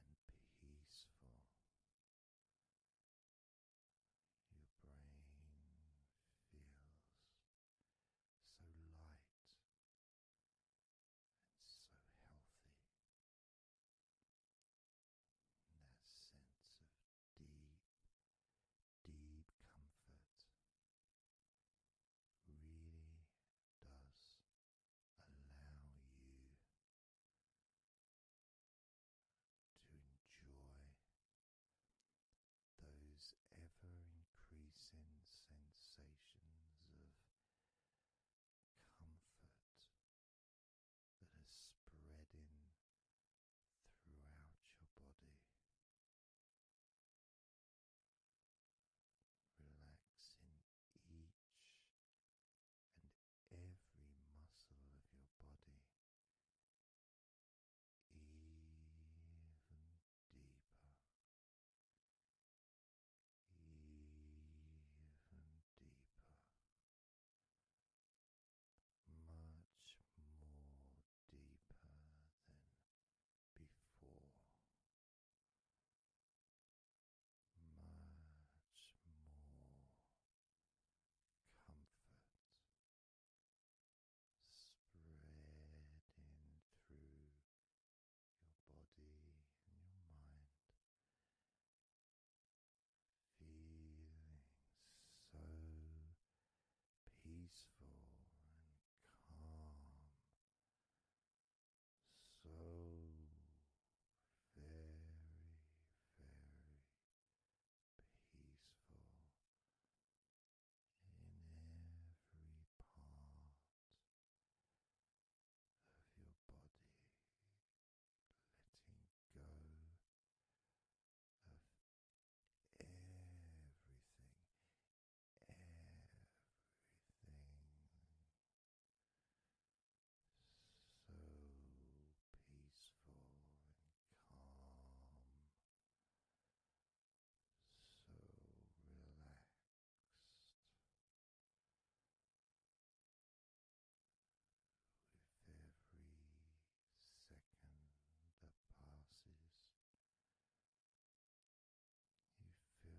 and peaceful. Your brain feels so light and so healthy. that sense of deep, deep comfort really does allow you to enjoy those ever increasing sensations of comfort that are spreading throughout your body. relaxing each and every muscle of your body even deeper. Even deeper, much more deeper than before much more comfort spread through your body and your mind. Feeling so peaceful and calm so very, very peaceful in every part of your body, letting go of everything, everything so peaceful and calm, so relaxed. With every second that passes, you feel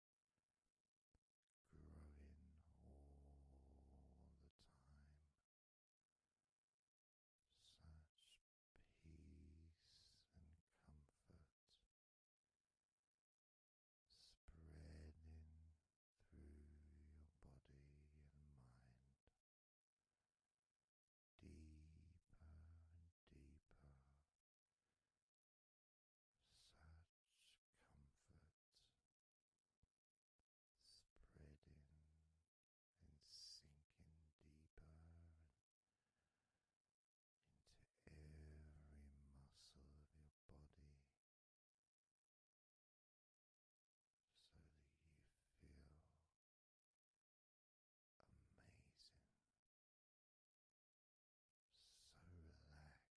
growing all the time. Such peace and comfort spreading through your body and mind, deeper and deeper such comfort spreading and sinking deeper into every muscle of your body so that you feel amazing, so relaxed.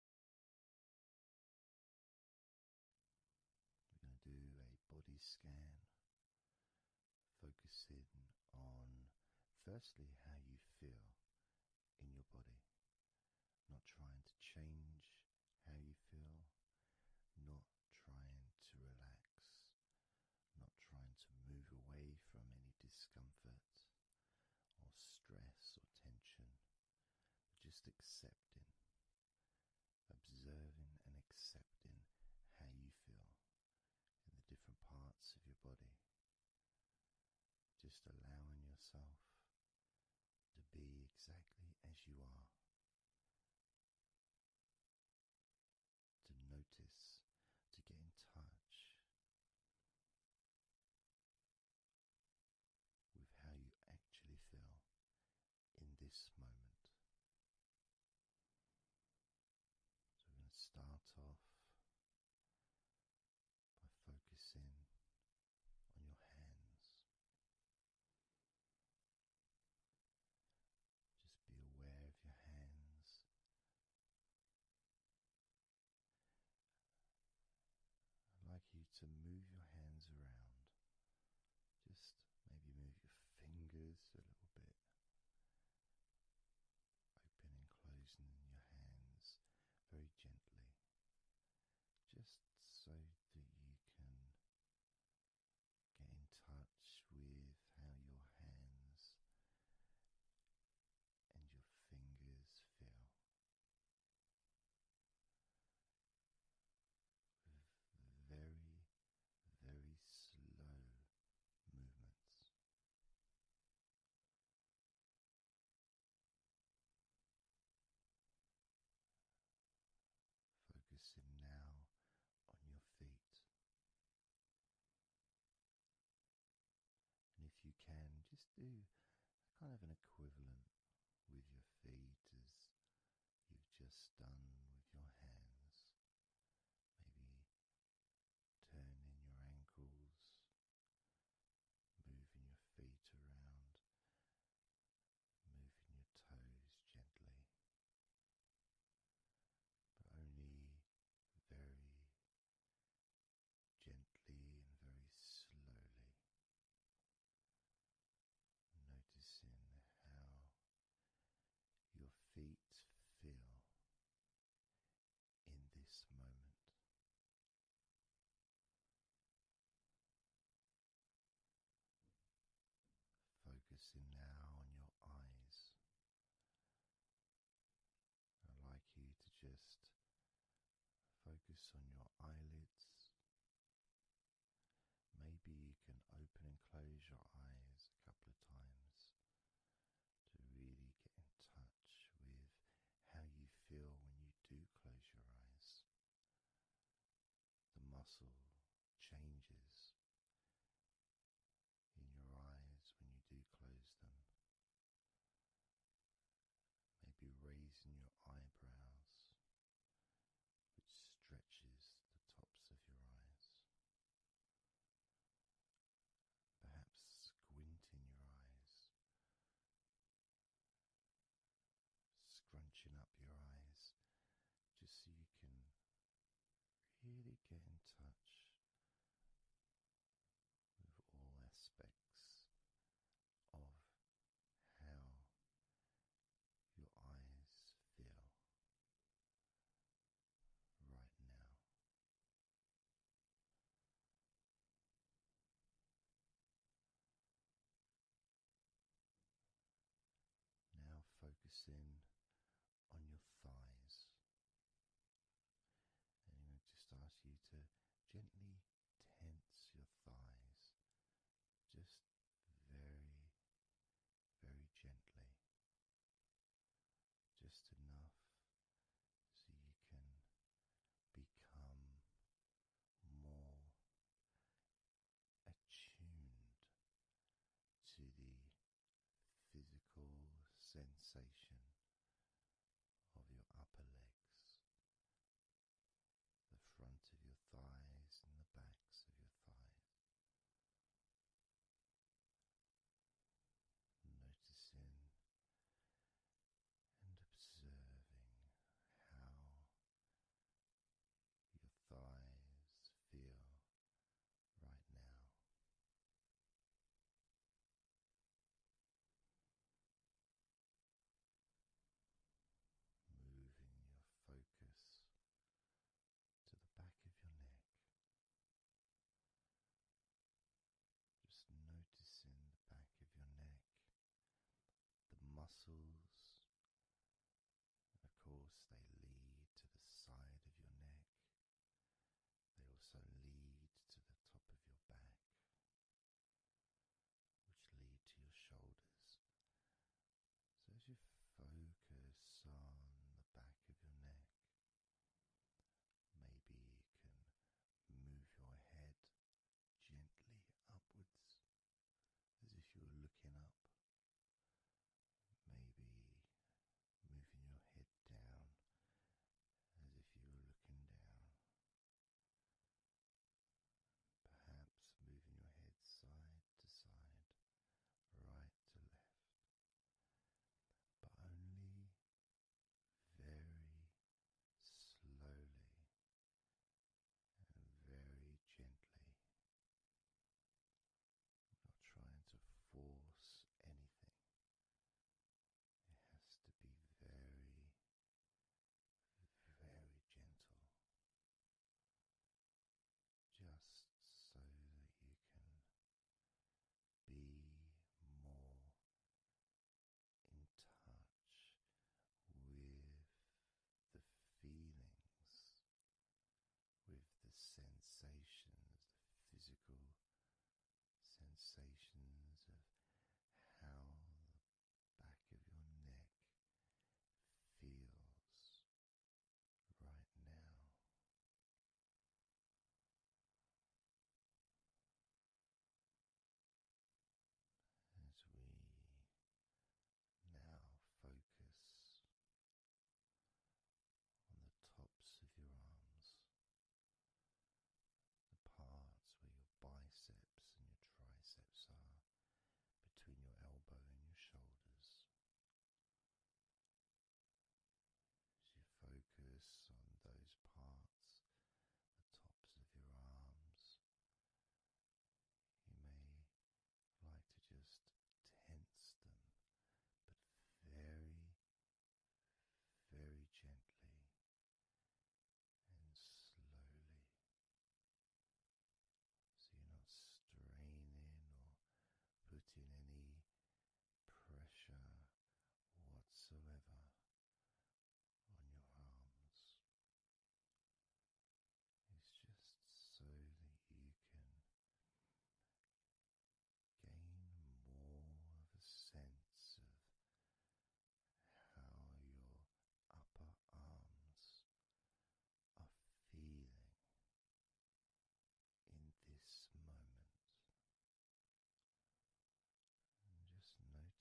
We're going to do a body scan, focusing on firstly how you feel in your body, not trying to change how you feel, not trying to relax, not trying to move away from any discomfort or stress or tension just accepting, observing and accepting how you feel in the different parts of your body, just allowing yourself to be exactly as you are. To notice, to get in touch with how you actually feel in this moment. So, we're going to start off by focusing on your hands. Just be aware of your hands I'd like you to move your hands around. Just maybe move your fingers a little bit. opening, and closing your hands very gently, just so that you can get in touch with how your hands and your fingers feel very, very slow movements. Focusing now on your feet. And if you can, just do kind of an equivalent with your feet as you've just done with your hands. Maybe turning your ankles, moving your feet around, moving your toes gently, but only very gently and very slowly. Noticing how your feet feel in this moment. Focusing now on your eyes. I'd like you to just focus on your eyelids Maybe you can open and close your eyes a couple of times to really get in touch with how you feel when you do close your eyes. The muscle changes in your eyes when you do close them. Maybe raising your eyebrows which stretches the tops of your eyes. Perhaps squinting your eyes, scrunching up your eyes just so you can really get in touch with all aspects of how your eyes feel right now. Now focus in on your thighs. And I'm going to just ask you to gently tense your thighs just very, very gently, just enough so you can become more attuned to the physical sensation of your upper legs the front of your thighs and the backs of your thighs. Noticing and observing how your thighs feel right now moving your focus to the back of your neck, just noticing the back of your neck, the muscles. Of course, they lead to the side of your neck. They also lead to the top of your back which lead to your shoulders. So as you focus on the back of your neck, maybe you can move your head gently upwards as if you are looking up. Maybe moving your head down as if you are looking down perhaps moving your head side to side, right to left, but only very slowly and very gently. Not trying to force anything. It has to be very, very gentle just so that you can be more in touch with the feelings, with the sensations, the physical sensations of how back of your neck feels right now. As we now focus on the tops of your arms, the parts where your biceps and your triceps are, between your elbow and your shoulders. As you focus on those parts, the tops of your arms, you may like to just tense them, but very, very gently and slowly so you're not straining or putting any pressure whatsoever on your arms. It's just so that you can gain more of a sense of how your upper arms are feeling in this moment. And just noticing as you gently, very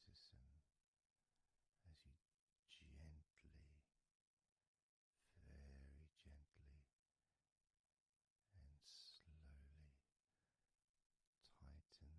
gently, and slowly tighten the muscles and then let go.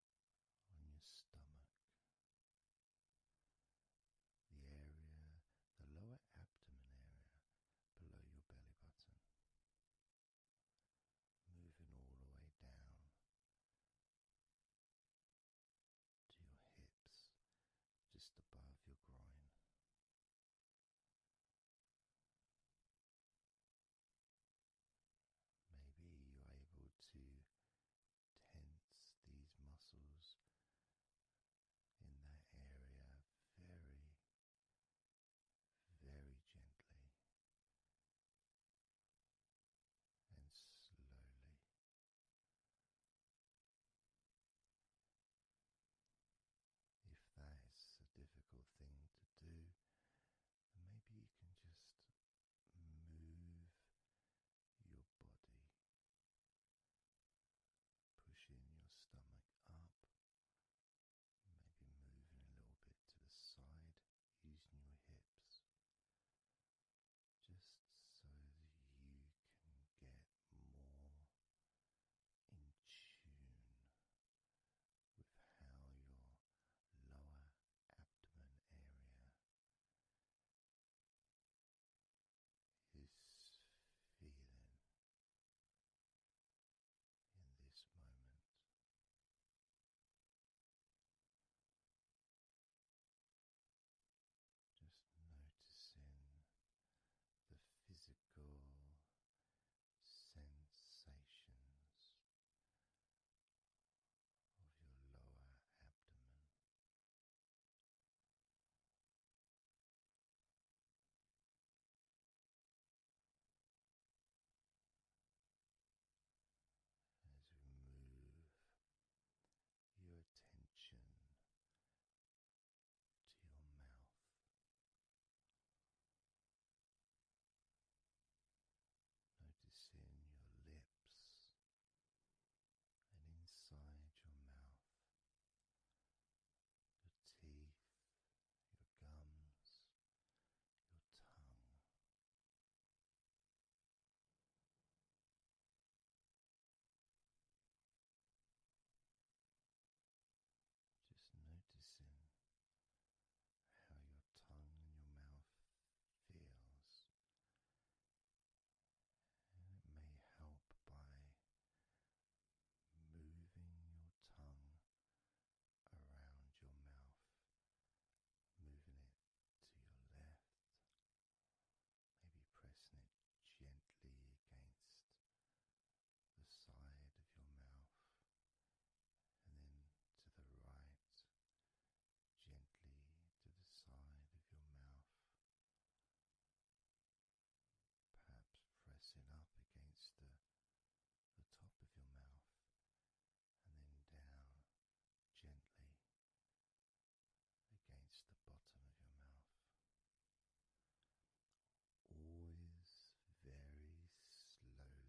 on your stomach, the area, the lower abdomen area below your belly button, moving all the way down to your hips, just above your groin. Maybe you're able to tense these muscles in that area very, very gently and slowly. If that's a difficult thing to do, maybe you can just move your body, pushing your stomach up, maybe moving a little bit to the side using your hips, just so that you can get more in tune with how your lower abdomen area feeling in this moment. Just noticing the physical sensations of your lower abdomen. As we move your attention to your mouth. Noticing your lips, and inside your mouth, your teeth, your gums, your tongue. Just noticing how your tongue and your mouth feels it may help by moving your tongue around your mouth, moving it to your left, maybe pressing it gently against the side of your mouth and then to the right gently to the side of your mouth, perhaps pressing up against the, the top of your mouth and then down gently against the bottom of your mouth. Always very slowly.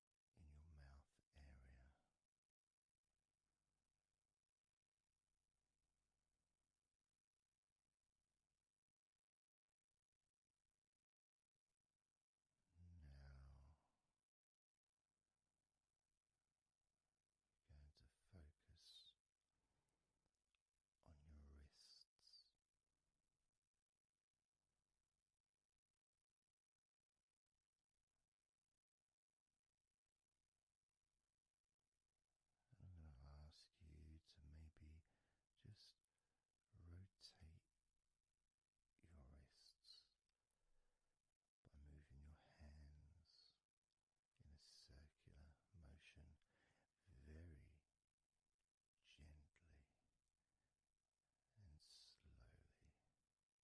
in your mouth area. Now we're going to focus on your wrists. I'm going to ask you to maybe just rotate your wrists by moving your hands in a circular motion very gently and slowly.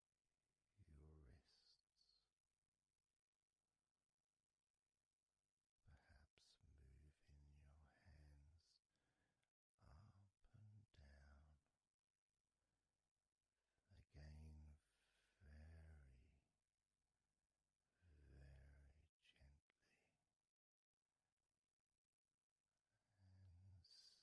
your wrists, perhaps moving your hands up and down. Again, very, very gently and slowly. Very gentle and slow.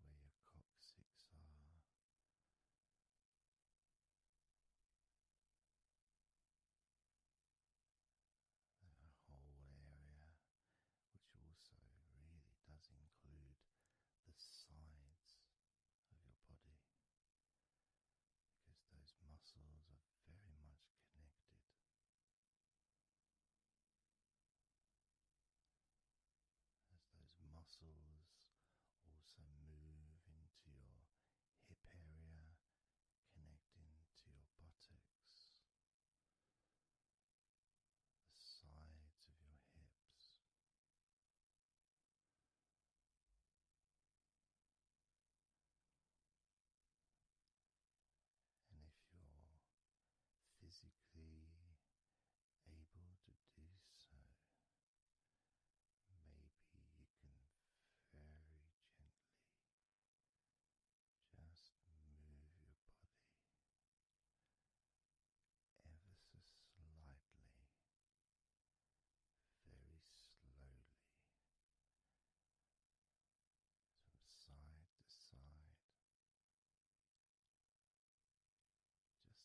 where your coccyx are. That whole area, which also really does include the sides of your body, because those muscles are very much connected as those muscles also move into your hip area, connecting to your buttocks, the sides of your hips. And if you're physically able to do so, maybe you can very gently just move your body ever so slightly, very slowly, from side to side, just enough for you to gauge.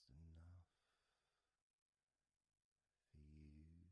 How you feel in your lower back,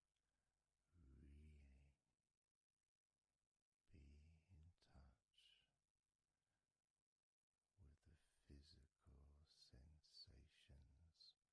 be in touch with the physical sensations of your lower back.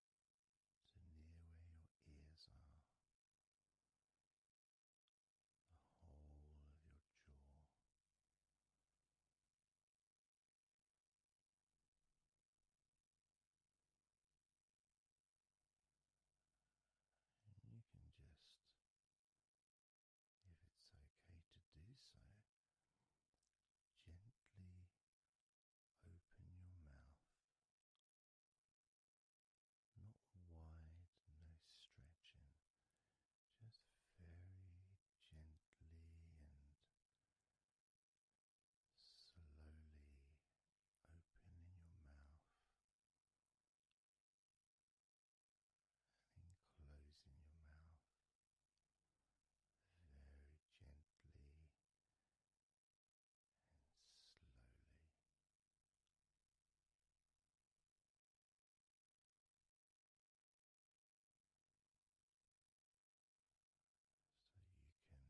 to near where your ears are, the whole of your jaw. you can just, if it's okay to do so, gently open your mouth not wide, no stretching, just very gently and slowly opening your mouth and closing your mouth very gently slowly. So you can be in touch with how your jaw feels.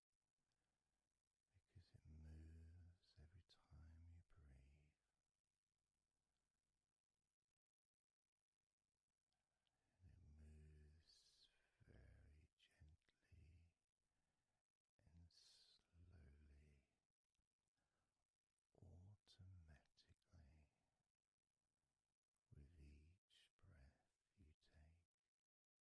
because it moves every time you breathe. it moves very gently and slowly, automatically, with each breath you take.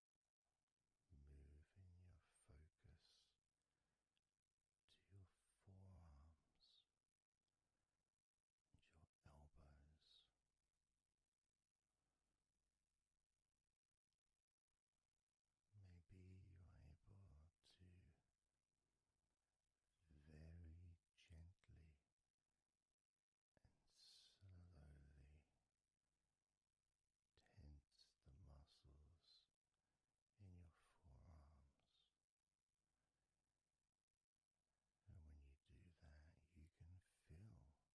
moving your focus to your forearms and your elbows. Maybe you are able to very gently and slowly tense the muscles in your forearms. And when you do that, you can feel your elbows as well. Very gently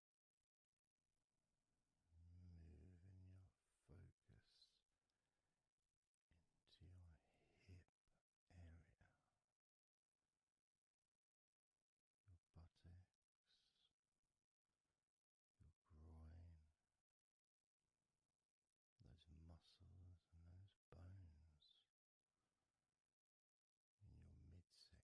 moving your focus into your hip area, your buttocks, your groin, those muscles and those bones in your midsection.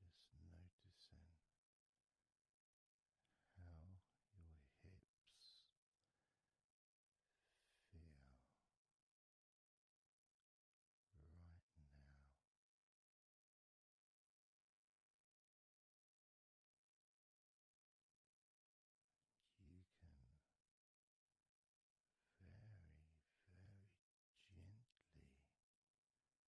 Just noticing how your hips feel right now. You can very, very gently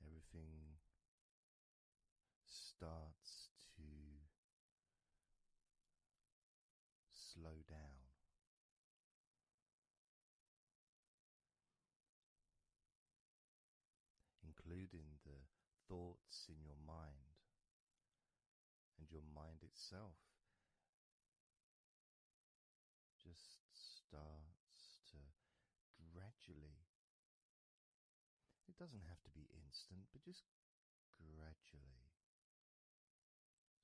everything starts to slow down. Including the thoughts in your mind and your mind itself just starts to gradually. It doesn't have to be instant, but just gradually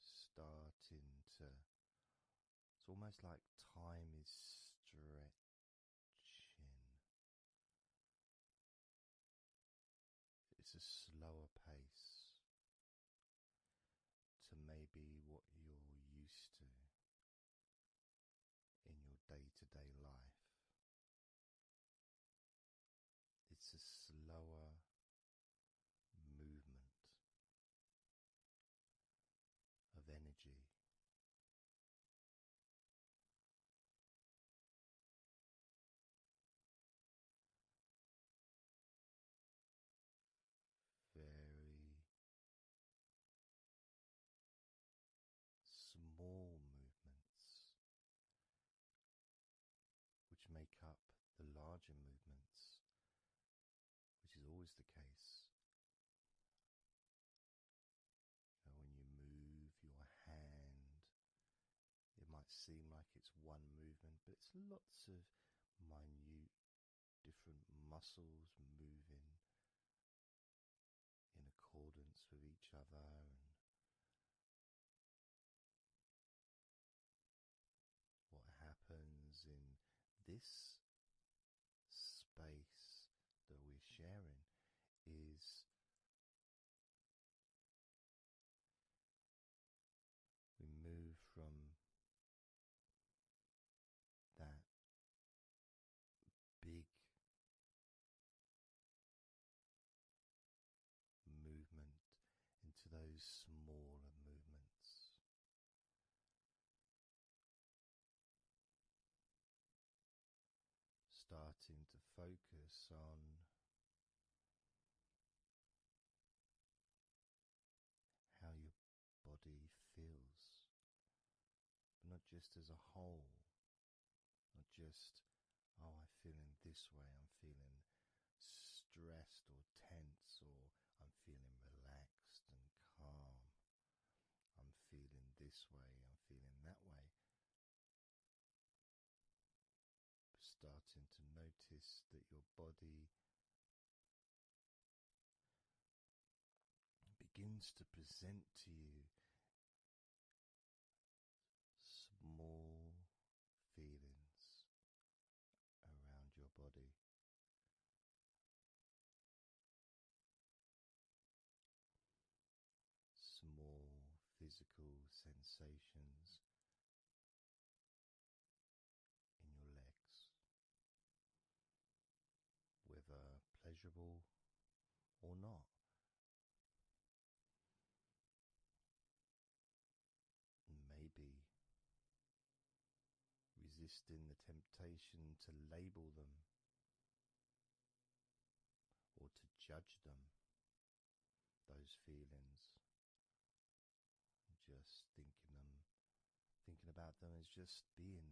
starting to. It's almost like time is stretching it's a slower pace to maybe what you're used to in your day to day life. It's a slower movement of energy very small movements which make up the larger movements, which is always the case. when you move your hand it might seem like it's one movement, but it's lots of minute different muscles moving in accordance with each other and what happens in this space that we're sharing is we move from that big movement into those smaller movements. Starting to focus on how your body feels, not just as a whole, not just, oh, I'm feeling this way, I'm feeling stressed or tense, or I'm feeling relaxed and calm, I'm feeling this way, I'm feeling that way starting to notice that your body begins to present to you small feelings around your body. Small physical sensations in your legs, whether pleasurable or not. Maybe resisting the temptation to label them or to judge them those feelings. Just thinking them, thinking about them is just being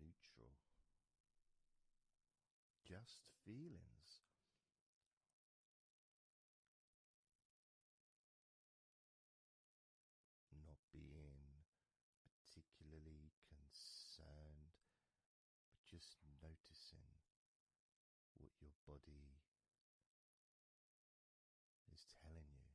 neutral. Just feelings. Not being particularly concerned, but just noticing what your body is telling you.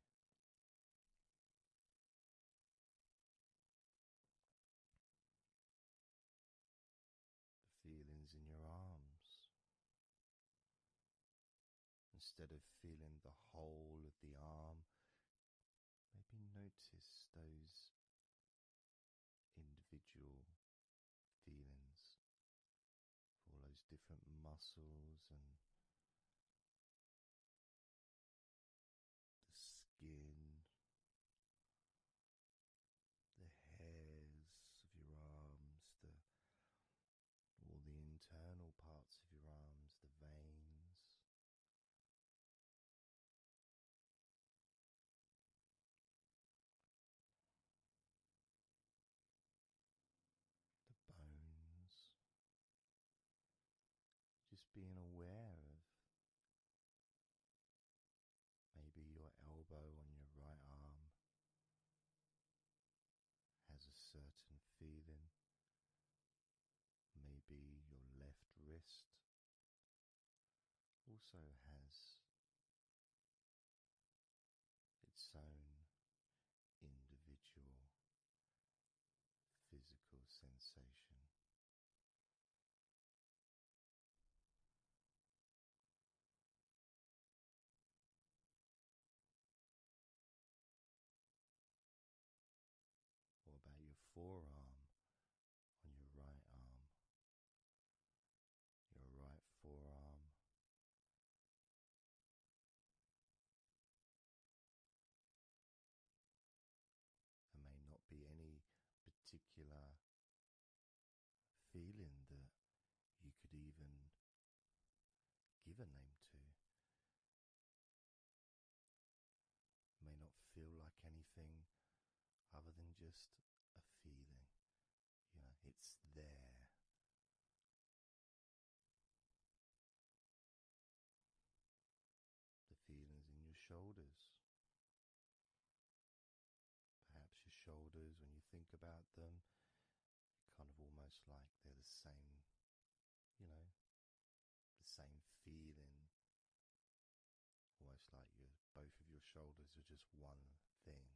The feelings in your arms. Instead of feeling the whole of the arm, maybe notice those individual feelings all those different muscles and the skin, the hairs of your arms, the all the internal parts of your arms, the veins the bones, just being aware of maybe your elbow on your right arm has a certain feeling, maybe your left wrist also has its own individual physical sensation. What about your forearm on your right arm? your right forearm. There may not be any particular feeling that you could even give a name to. May not feel like anything other than just a feeling, you it's there. The feelings in your shoulders. Perhaps your shoulders, when you think about them, kind of almost like they're the same, you know, the same feeling. Almost like you both of your shoulders are just one thing.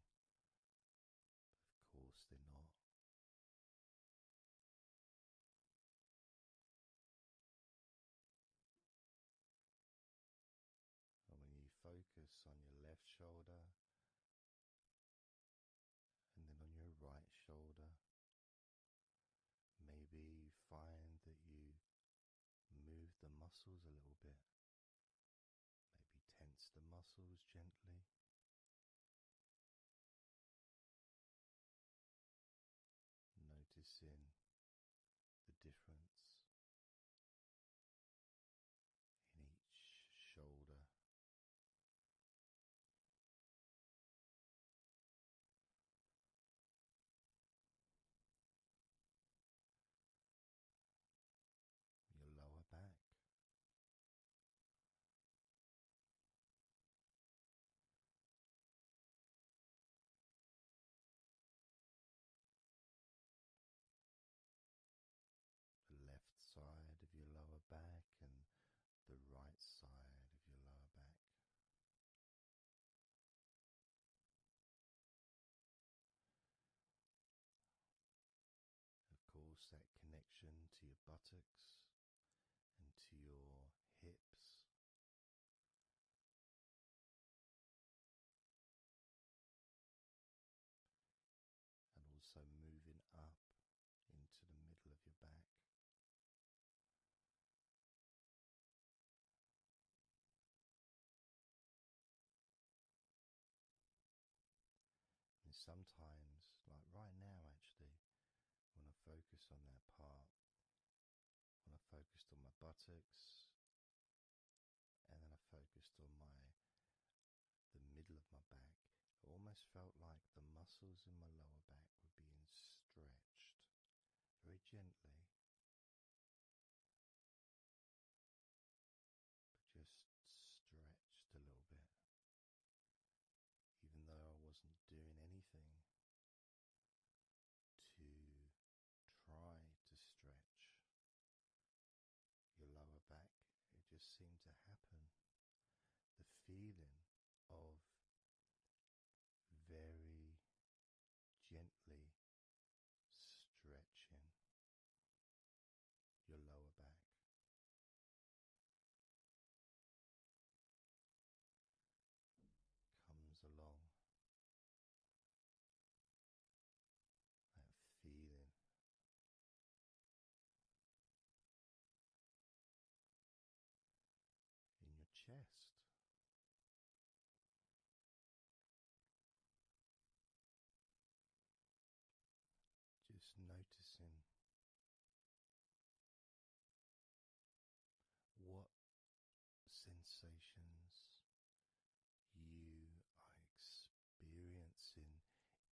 Of course, they're not. And when you focus on your left shoulder and then on your right shoulder, maybe you find that you move the muscles a little bit. Maybe tense the muscles gently. Noticing the difference in each shoulder your lower back. The left side of your lower back and the right side of your lower back. Of course, that connection to your buttocks and to your hips. And also moving up into the middle of your back. And sometimes, like right now, actually, want to focus on that part, when I focused on my buttocks, and then I focused on my the middle of my back, it almost felt like the muscles in my lower back were being stretched very gently just stretched a little bit, even though I wasn't doing anything to try to stretch your lower back. It just seemed to happen. The feeling of very gently stretching your lower back. Comes along that feeling in your chest. Just noticing what sensations you are experiencing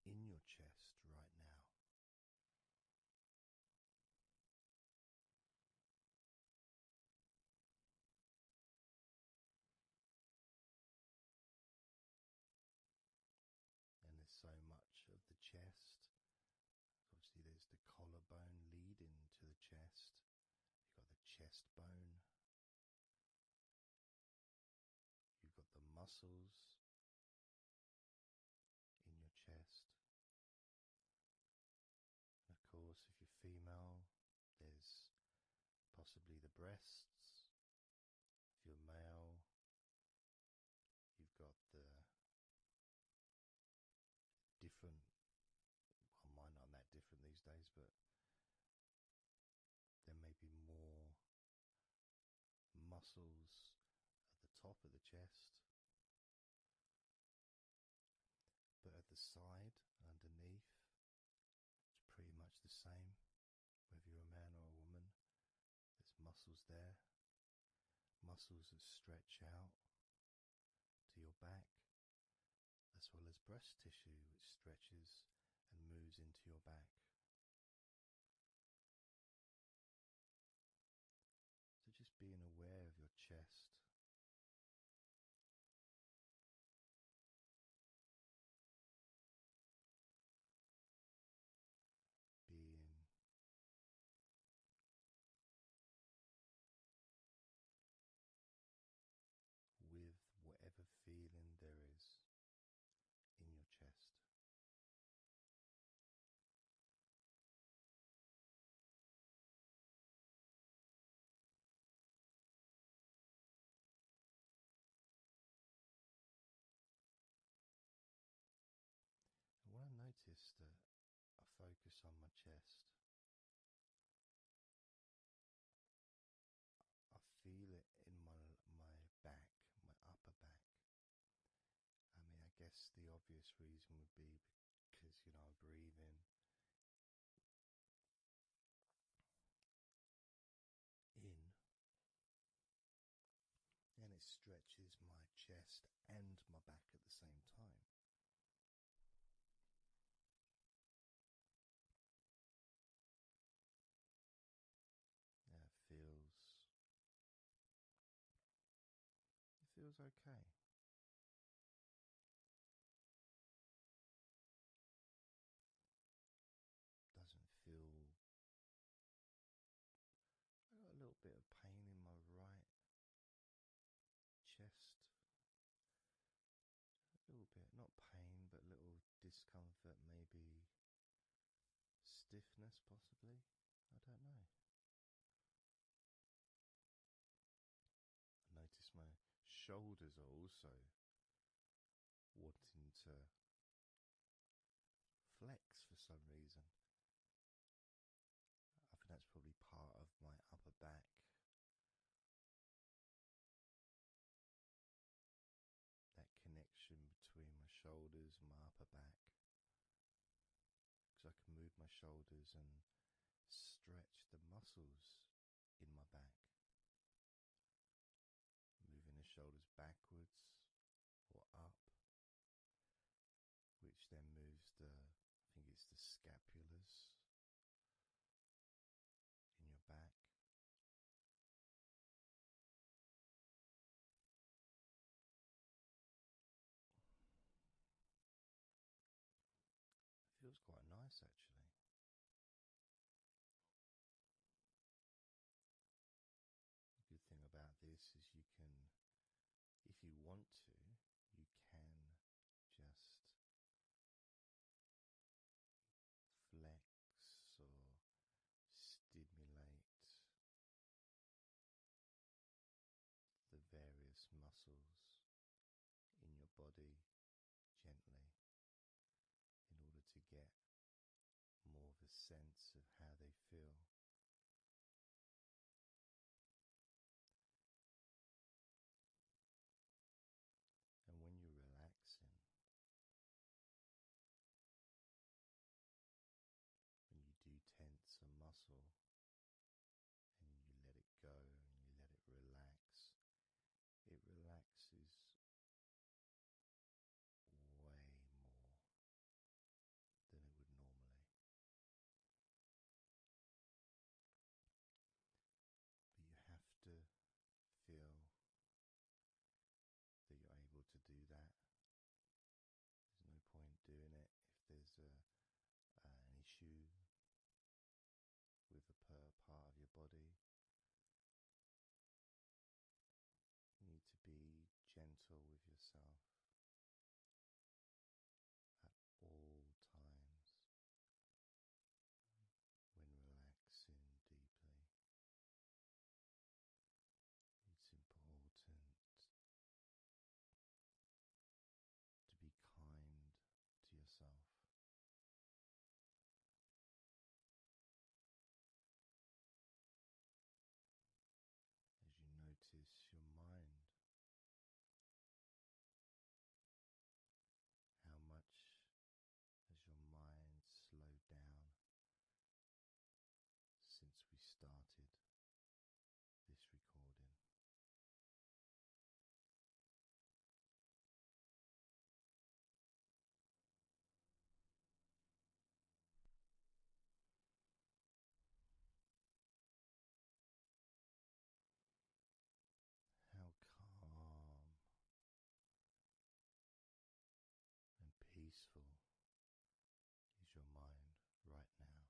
in your chest right now. And there's so much of the chest. Obviously, there's the collarbone leading to the chest. You've got the chest bone. You've got the muscles in your chest. And of course, if you're female, there's possibly the breasts if you're male, you've got the different. Well, mine aren't that different these days, but there may be more muscles at the top of the chest, but at the side, underneath, it's pretty much the same whether you're a man or a woman, there's muscles there, muscles that stretch out to your back, as well as breast tissue which stretches and moves into your back. So just being aware of your chest being with whatever feeling there is in your chest. And I noticed that I focus on my chest, I feel it in my my back, my upper back. I mean, I guess the obvious reason would be because you know I breathe in in, and it stretches my chest and my back at the same time. Now it feels it feels okay doesn't feel. I got a little bit of pain in my right chest. A little bit, not pain, but little discomfort, maybe stiffness, possibly. I don't know. I notice my shoulders are also wanting to flex for some reason. I think that's probably part of my upper back. That connection between my shoulders and my upper back. Because I can move my shoulders and stretch the muscles in my back. Moving the shoulders backwards or up which then moves the, I think it's the scapulars in your back. It feels quite nice actually. The good thing about this is you can, if you want to, you can just flex or stimulate the various muscles in your body gently in order to get more of a sense of how they feel. And when you're relaxing, when you do tense a muscle and you let it go and you let it relax, it relaxes way more than it would normally. But you have to feel that you're able to do that. There's no point doing it if there's a, uh, an issue with a per part of your body need to be gentle with yourself at all times when relaxing deeply. It's important to be kind to yourself as you notice your mind, how much has your mind slowed down since we started this recording? How calm and peaceful is your mind right now?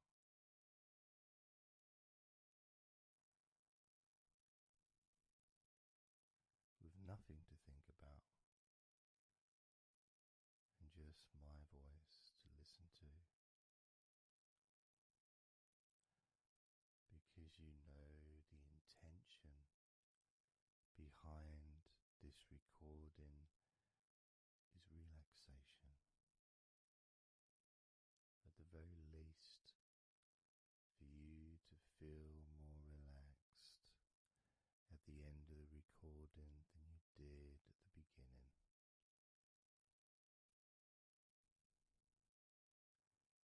With nothing to think about and just my voice to listen to. Because you know the intention behind this recording is relaxation. At the very least, for you to feel more relaxed at the end of the recording than you did at the beginning.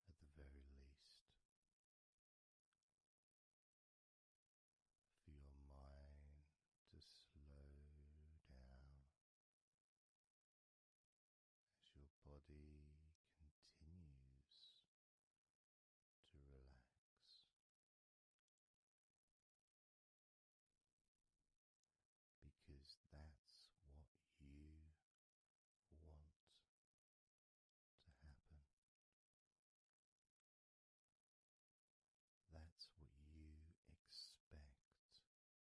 At the very least, for your mind to slow down as your body continues to relax because that's what you want to happen. That's what you expect to happen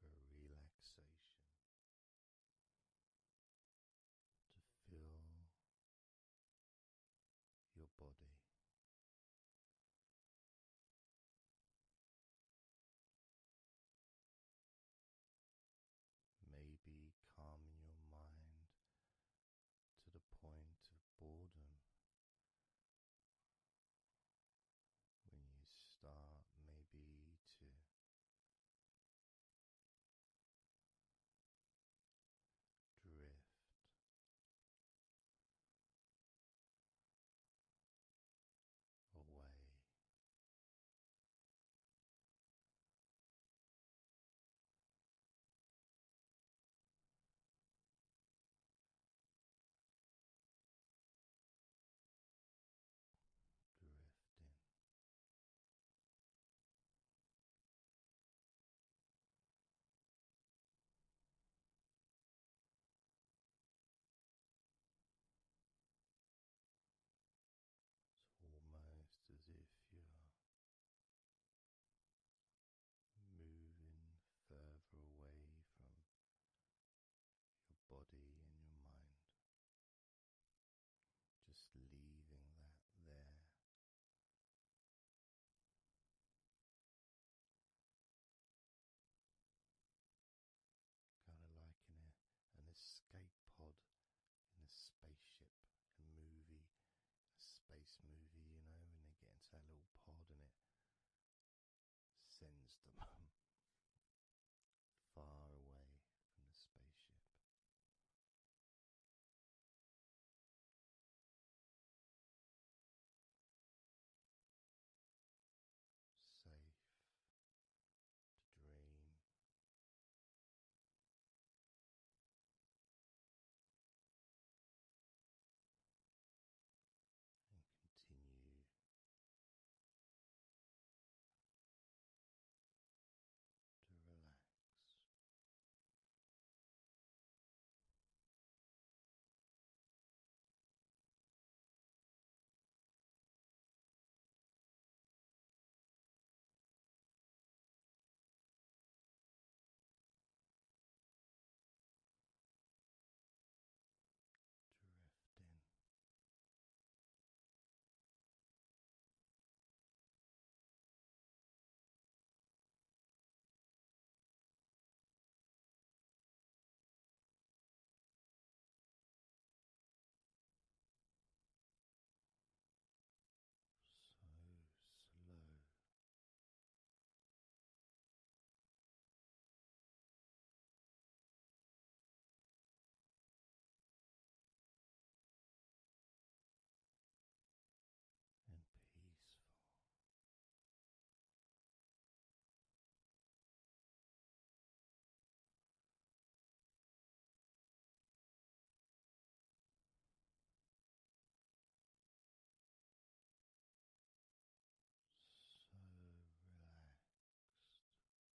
for relaxation, to fill your body. Maybe calming your mind to the point of boredom when you start maybe to drift. Away drifting. It's almost as if you're moving further away from your body and your mind. Just leaving that there. Kind of like in an escape pod in a spaceship, a movie, a space movie, you know, and they get into that little pod and it sends them [LAUGHS] far away from the spaceship. Safe to dream continue to relax drifting. So slow, and peaceful. So relaxed.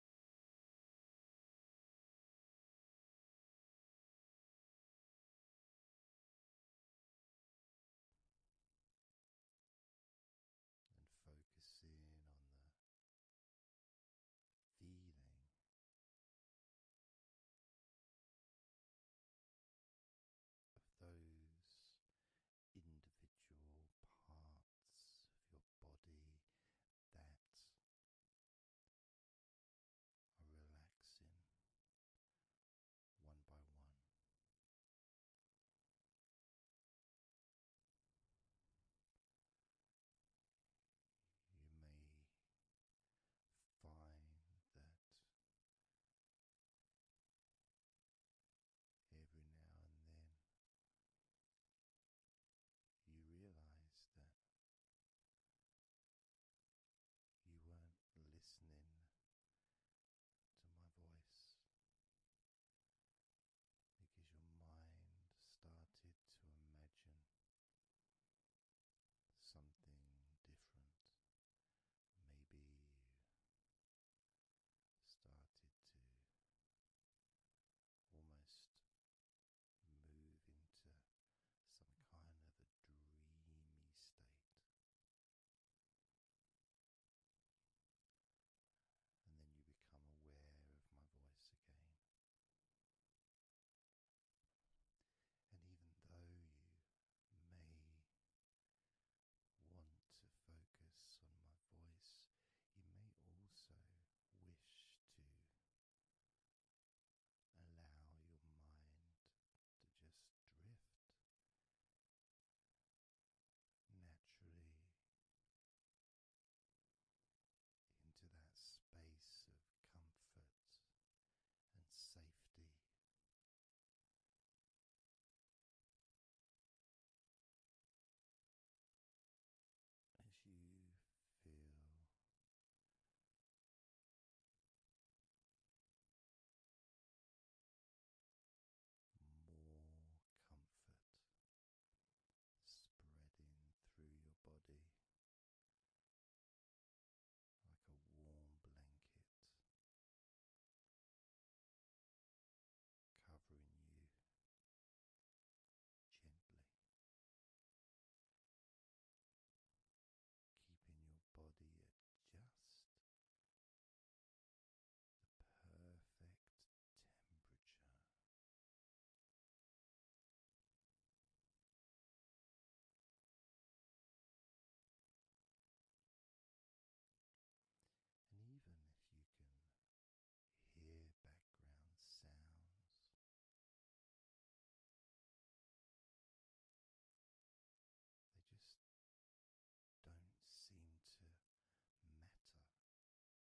and focusing on the feeling. Of those individual parts of your body that are relaxing one by one. You may find that every now and then you realize that you weren't listening to my voice because your mind started to imagine something different. Maybe you started to almost move into some kind of a dreamy state. And then you become aware of my voice again. And even though you may want to focus on my voice, you may also wish to allow your mind to just drift naturally into that space of comfort and safety. As you feel spreading through your body like a warm blanket. Covering you gently, keeping your body at just the perfect temperature. And even if you can hear background sounds, they just don't seem to matter anymore. As that sense of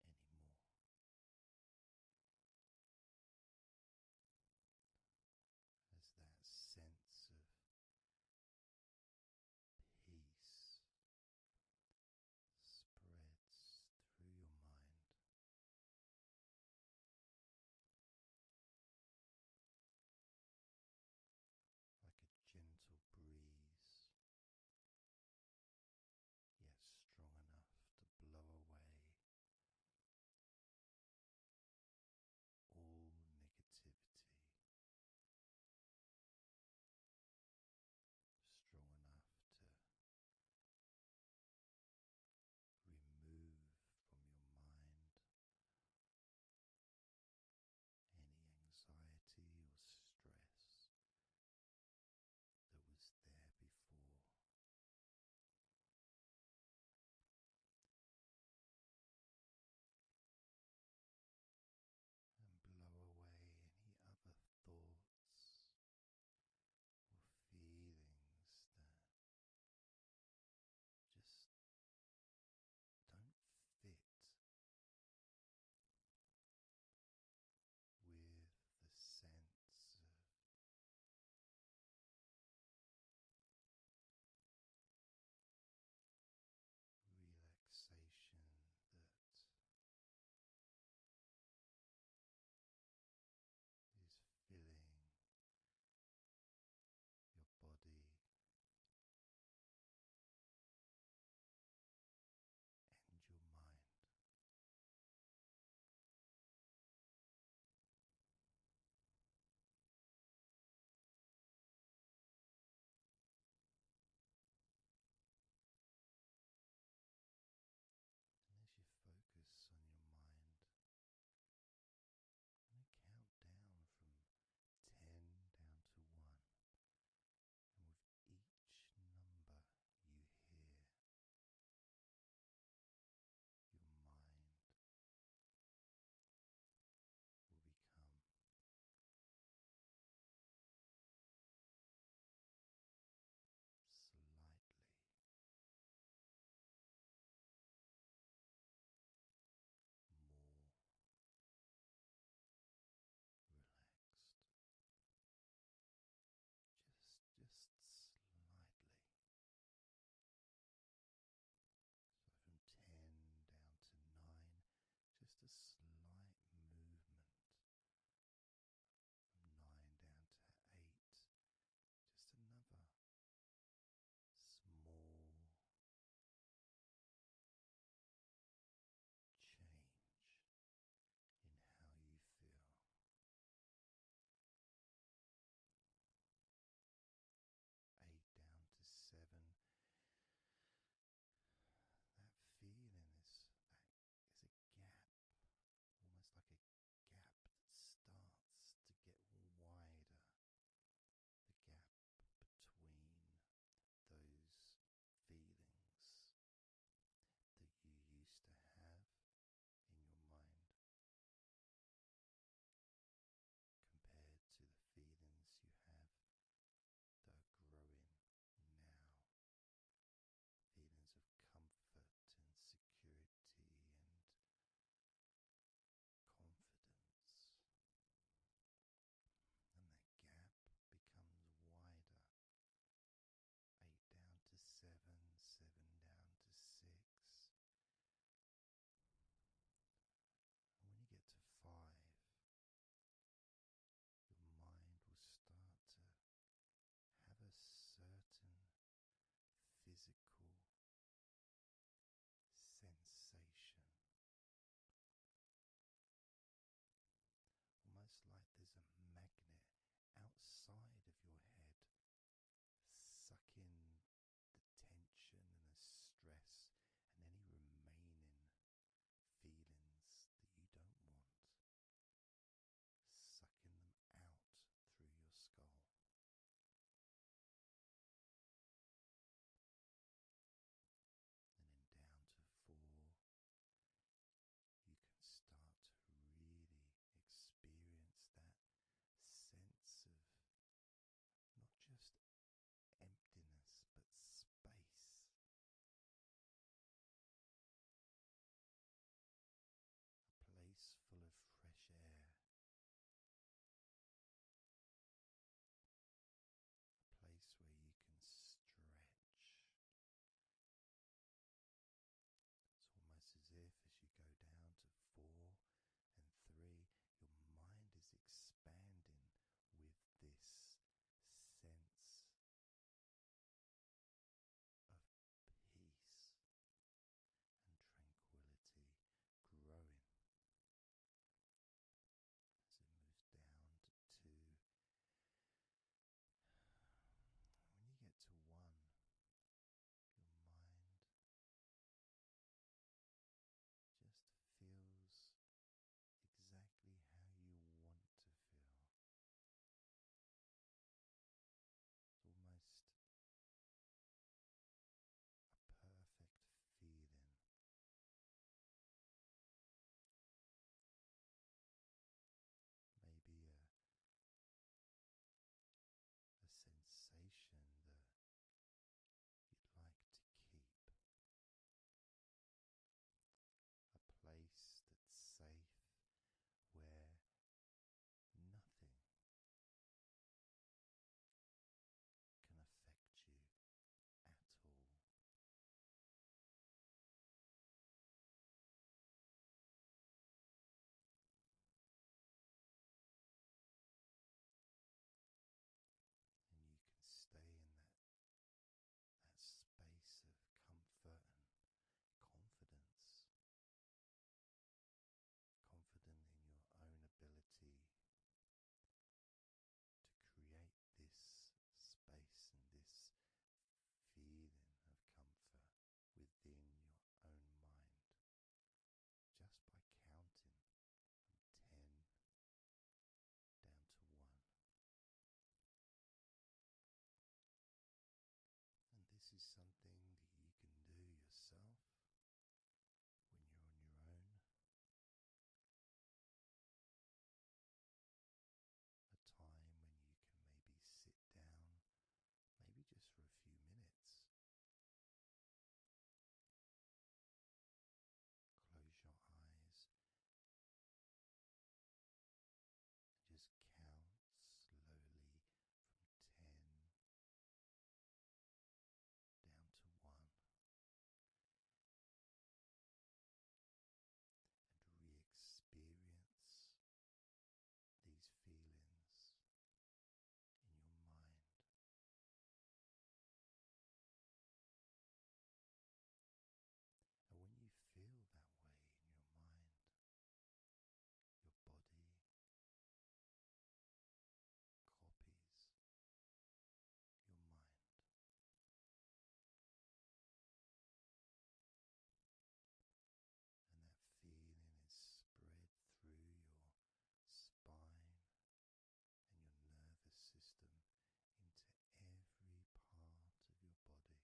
peace spreads through your mind like a gentle breeze, yet strong enough to blow away all negativity, strong enough to Remove from your mind any anxiety or stress that was there before. And blow away any other thoughts feelings that just don't fit with the sense of relaxation that is filling your body. And your mind. And as you focus on your mind, I'm going to count down from 10 down to 1. And with each number you hear, your mind will become slightly more relaxed, just just slightly. So from ten down to nine, just a slight movement. nine down to eight, just another small change in how you feel. Eight down to seven. That feeling is, that is a gap, almost like a gap that starts to get wider, the gap between those feelings that you used to have in your mind compared to the feelings you have that are growing now feelings of comfort and security and confidence. And that gap becomes wider. Eight down to seven, seven down to six. when you get to five, your mind will start to have a certain physical sensation. Almost like there's a magnet outside of your head sucking the tension and the stress and any remaining feelings that you don't want, sucking them out through your skull and then down to four, you can start to really experience that sense of not just emptiness but space. A place full of fresh air, place where you can stretch. It's almost as if as you go down to four and three, your mind is expanding with this sense of peace and tranquility growing as it moves down to [SIGHS] When you get to one, your mind just feels exactly how you want to feel. It's almost a perfect feeling. Maybe a, a sensation that you'd like to keep, a place that's safe where nothing can affect you at all. And you can stay in that that space of comfort and confidence confident in your own ability to create this space and this feeling of comfort within your own mind just by counting from 10 down to 1. And this is something that you can do yourself when you're on your own, a time when you can maybe sit down, maybe just for a few minutes. Close your eyes and just count slowly from ten down to one, and re experience these feelings in your mind. And when you feel that way in your mind, your body copies your mind. And that feeling is spread through your spine and your nervous system into every part of your body. Travels through your bloodstream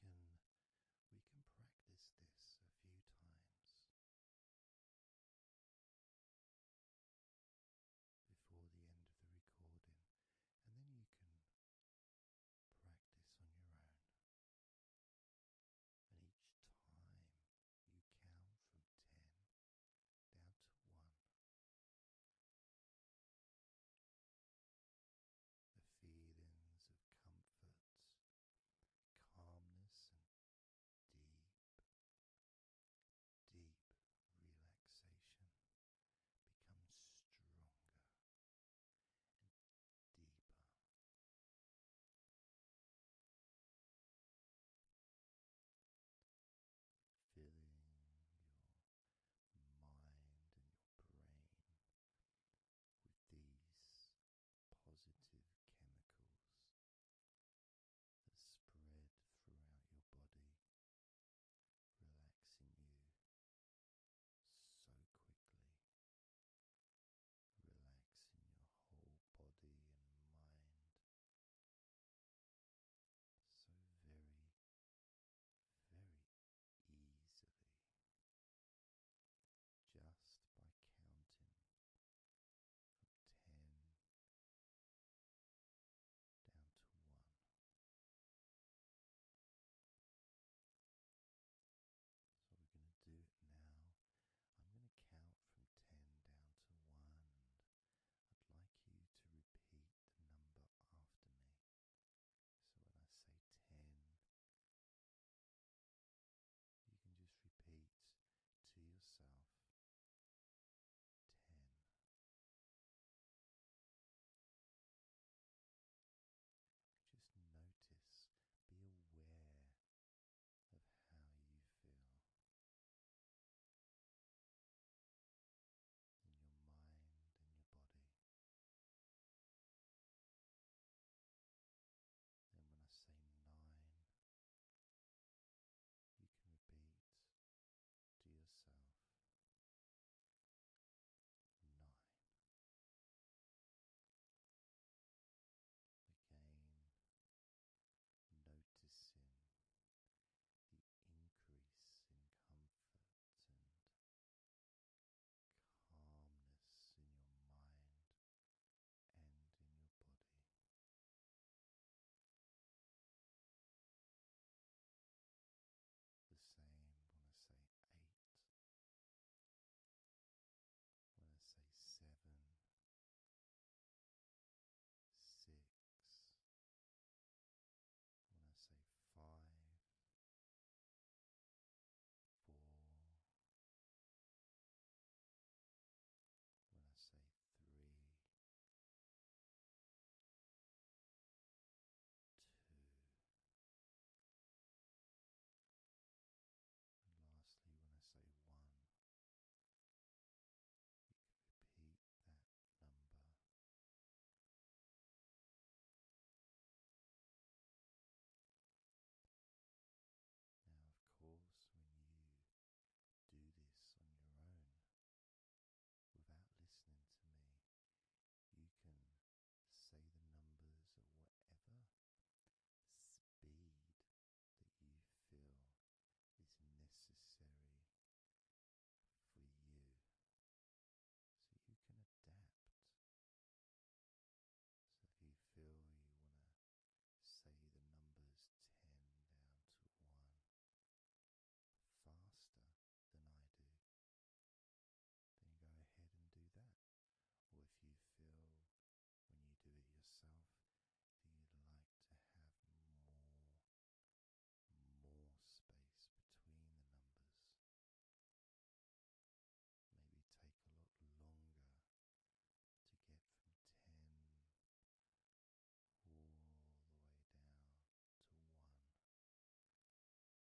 we can we can practice this a few times before the end of the recording and then you can practice on your own and each time you count from 10 down to 1 the feelings of comfort, calmness, and deep, deep relaxation becomes stronger and deeper. Filling your mind and your brain with these positive chemicals that spread throughout your body, relaxing you so quickly, relaxing your whole body and mind so very, very easily just by counting from 10 down to 1. So we're going to do it now. I'm going to count from 10 down to 1 and I'd like you to repeat the number after me. So when I say 10, you can just repeat to yourself 10. Just notice, be aware of how you feel. In your mind and your body, then, when I say nine, you can repeat to yourself nine. Again, noticing the increase in comfort and calmness in your mind and in your body. The same when I say eight, when I say seven, six, when I say five, when when I I say say three, one, repeat that number. Now, of course, when you do this on your own without listening to me, you can say the numbers at whatever speed that you feel is necessary for you. So you can adapt so if you feel you want to say the numbers 10 down to 1 faster than I do, then go ahead and do that. Or if you feel when you do it yourself that you'd like to have more, more space between the numbers, maybe take a lot longer to get from 10 all the way down to 1. That's your choice also to do. So I'm going to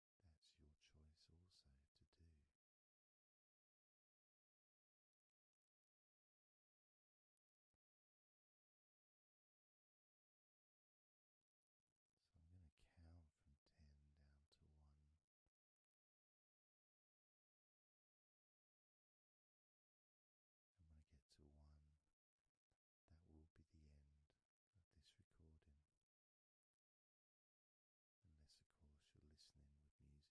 count from 10 down to 1 and when I get to one, that will be the end of this recording. Unless, of course, you're listening with music, then the music will continue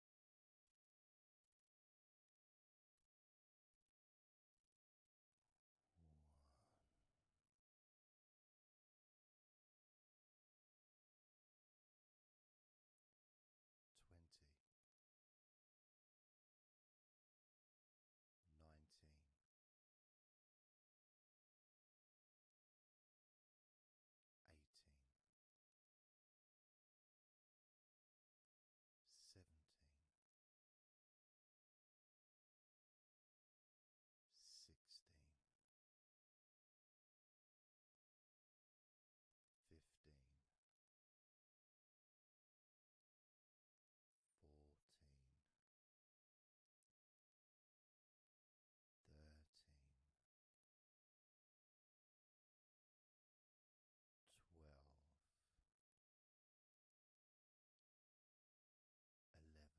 twenty, nineteen. Eighteen, seventeen, sixteen, fifteen, fourteen, thirteen twelve, eleven, ten, nine. Eight,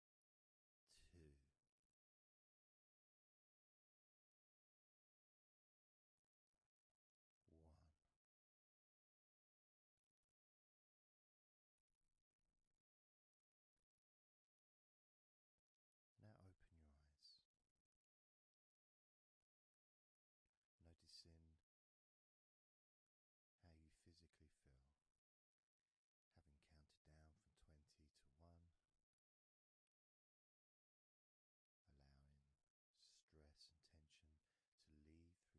two, one. Now open your eyes, noticing how you physically feel, having counted down from 20 to 1 allowing stress and tension to leave through your fingertips and your toes.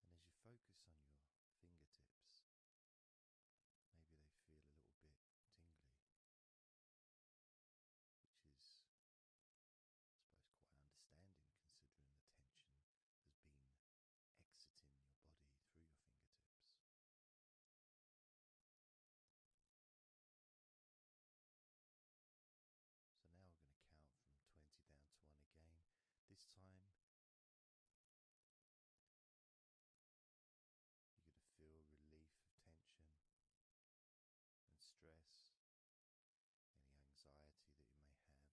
And as you focus on your fingertips, maybe they feel a little bit tingly, which is, I suppose, quite understanding considering the tension has been exiting your body through your fingertips. So now we're going to count from 20 down to 1 again. This time, you're going to feel relief of tension and stress, any anxiety that you may have.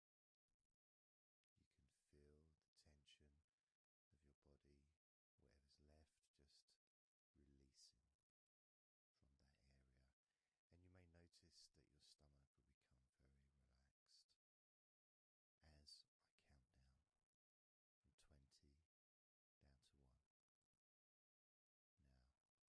You can feel the tension of your body, whatever's left, just releasing from that area. And you may notice that your stomach will become very relaxed as I count down from 20 down to 1. Now,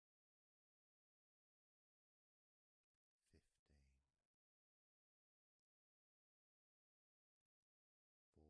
Fifteen, fourteen, thirteen, twelve, eleven.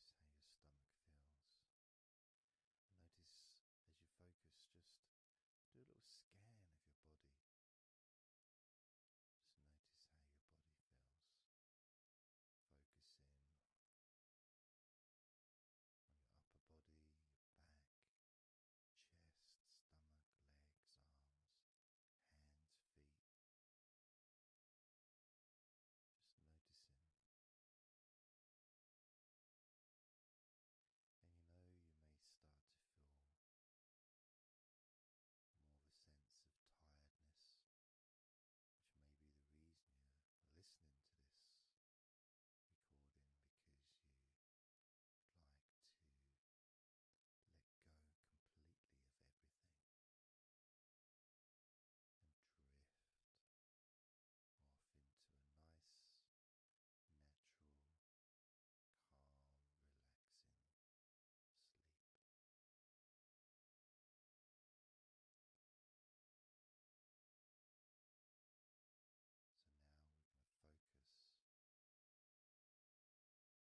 Just notice how your stomach feels. notice as you focus, just do a little scan of your body. Just notice how your body feels. Focus in on your upper body, back, chest, stomach, legs, arms, hands, feet. Just noticing. And you know, you may start to feel more of a sense of tiredness, which may be the reason you're listening to this recording because you'd like to let go completely of everything and drift off into a nice, natural, calm, relaxing sleep. So now we're going to focus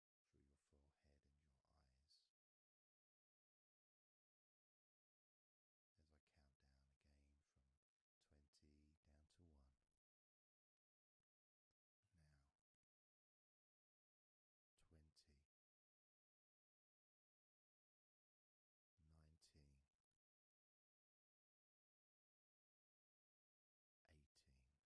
through your forehead and your eyes. As I count down again from 20 down to 1. Now, 20, 19, 18,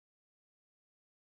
twelve, eleven. Ten, nine, eight,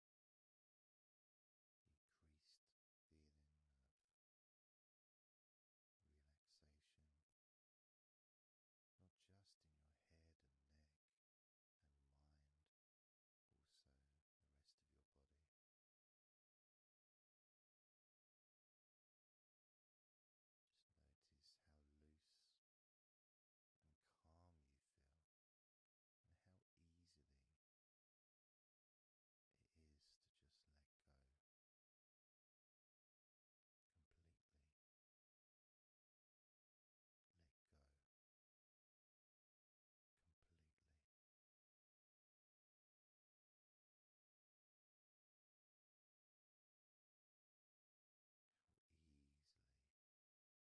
increased feeling of relaxation, not just in your head and neck and mind, also the rest of your body. Just notice how loose and calm you feel how easily it is to just let go completely. Let go completely. How easily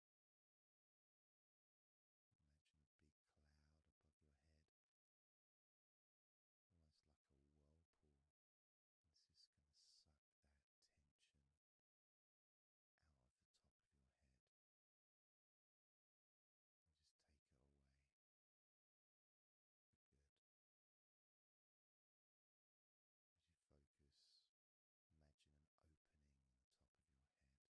Imagine a big cloud above your head, almost like a whirlpool. This is going to suck that tension out of the top of your head and just take it away for good. As you focus, imagine an opening in the top of your head.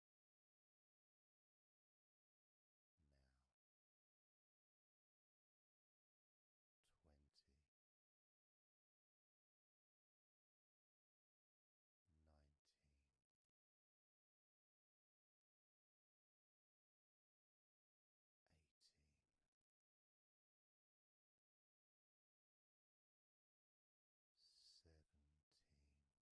now twenty nineteen eighteen seventeen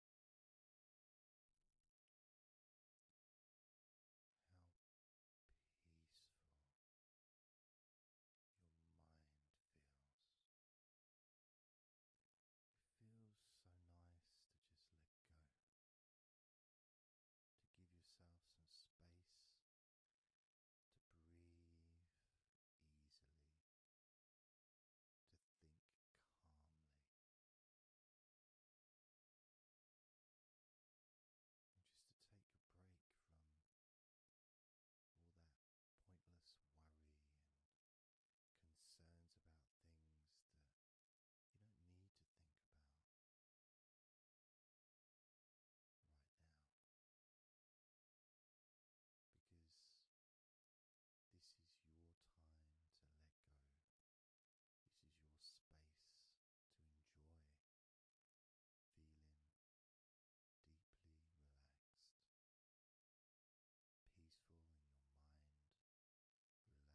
How peaceful your mind feels. It feels so nice to just let go, to give yourself some space to breathe easily, to think calmly. just to take a break from all that pointless worry and concerns about things that you don't need to think about right now. Because this is your time to let go this is your space to enjoy feeling deeply relaxed, peaceful in your mind, relaxed in your body. It can feel so good. So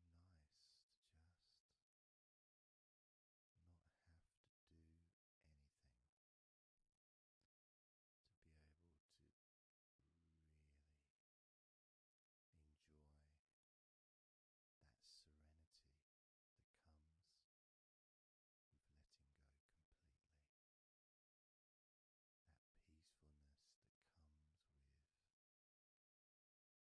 nice to just not have to do anything to be able to really enjoy that serenity that comes with letting go completely. That peacefulness that comes with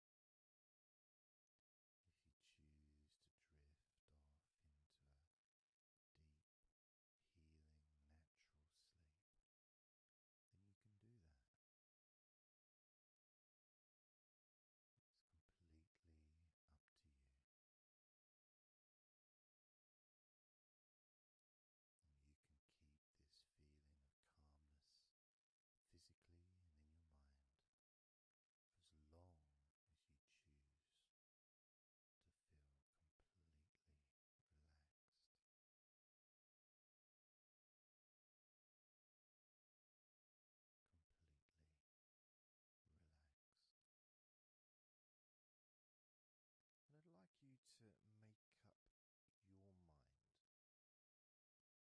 If you choose to drift off into a deep, healing, natural sleep, then you can do that. It's completely up to you. And you can keep this feeling of calmness physically and in your mind as long as you choose to feel completely relaxed. Completely relaxed. I'd like you to make up your mind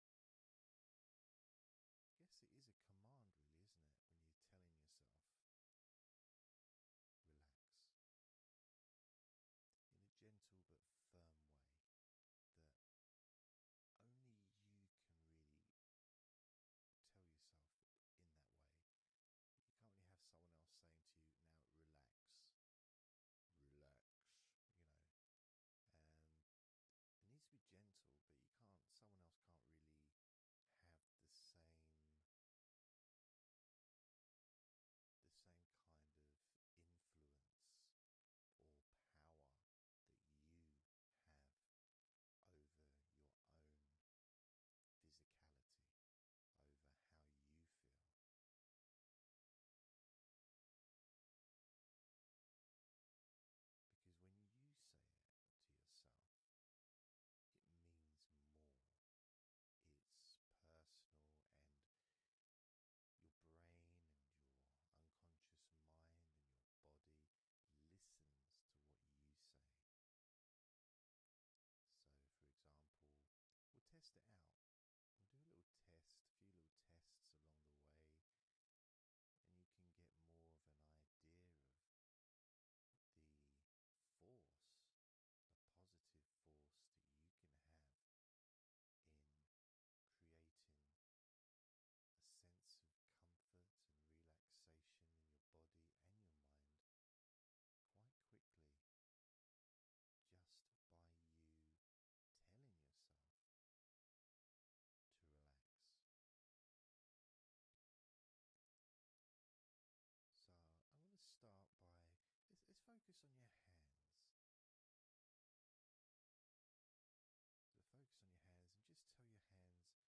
guess it is a command, really, isn't it? When you're telling yourself, relax in a gentle but firm way that only you can really tell yourself in that way. You can't really have someone else saying to you, now relax, relax, you know. Um, it needs to be gentle, but you can't, someone else can't really have the same the same kind of influence or power that you have over your own physicality, over how you feel. Because when you say it to yourself, it means more. It's personal, and your brain and your unconscious mind and your body listens to what you say. So, for example, we'll test it out. We'll do a little test, a few little tests along the way, and you can get more of an idea of the force, the positive force that you can have in creating a sense of comfort and relaxation in your body and your mind quite quickly just by you telling yourself to relax. So I'm to start by let's, focus on your hands. So focus on your hands and just tell your hands to relax. So just say relax as you focus on your hands. You could say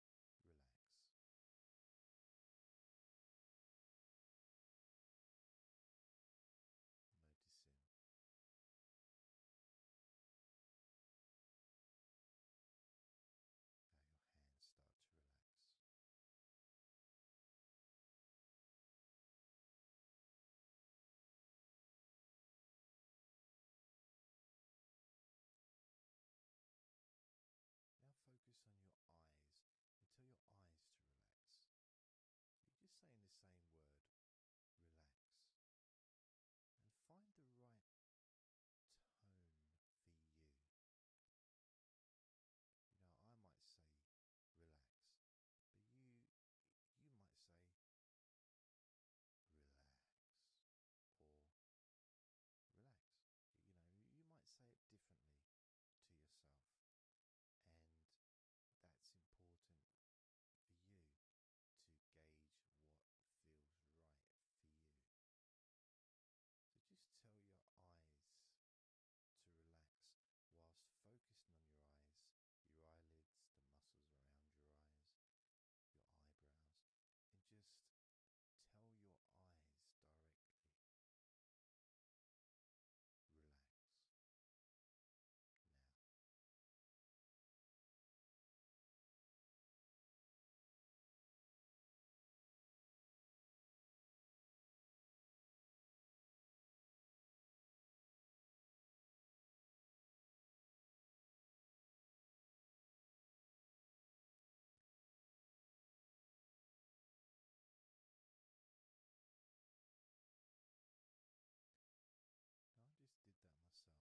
relax. Noticing how your hands start to relax. Now focus on your eyes and tell your eyes to relax. You're just saying the same word, relax. And find the right tone for you. You know, I might say relax, but you you might say relax or relax. You know, you might say it differently to yourself, and that's important for you to gauge what feels right for you. So just tell your eyes to relax whilst focusing on your eyes, your eyelids, the muscles around your eyes, your eyebrows, and just Tell your eyes directly. Relax now. I just did that myself and sometimes you may feel that you need a bit more time for the different parts to relax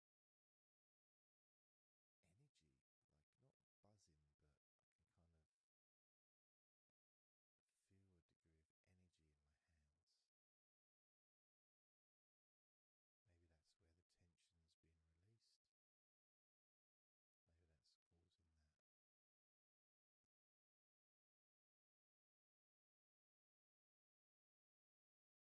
energy, like not buzzing, but I can kind of feel a degree of energy in my hands. Maybe that's where the tension's been released. Maybe that's causing that.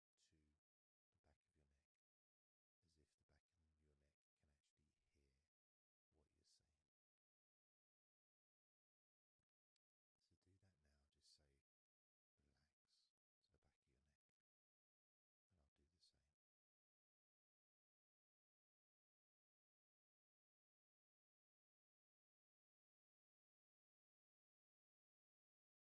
to the back of your neck, as if the back of your neck can actually hear what you're saying. So, do that now, just say relax to the back of your neck, and I'll do the same.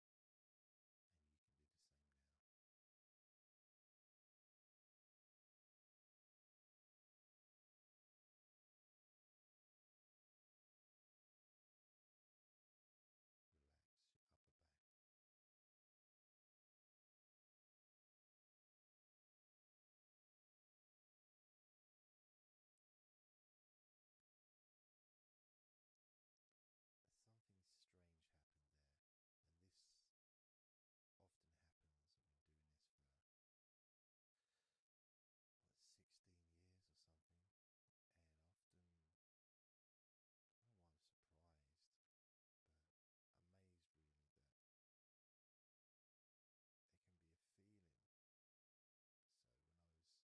And you can do the same now. Relax your upper back. Something strange happened there, and this often happens. when we're doing this for 16 years or something, and often no one surprised, but amazed really that there can be a feeling. So when I was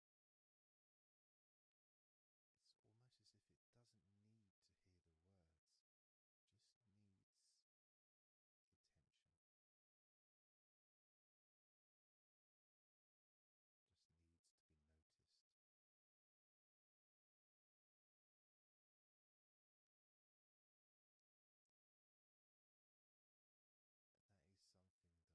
It's almost as if it doesn't need to hear the words, just needs attention. Just needs to be noticed. That is something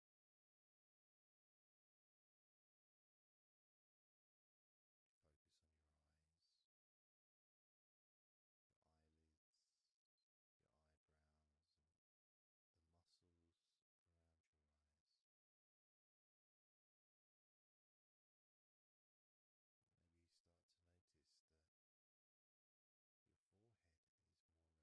Focus on your eyes, your eyelids, your eyebrows, and the muscles around your eyes. Maybe you start to notice that your forehead is more relaxed than it was.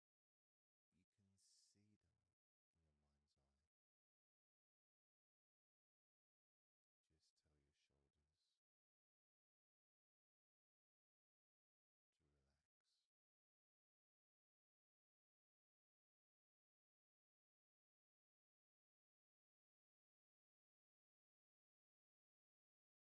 You can see them in your mind's eye. Just tell your shoulders to relax.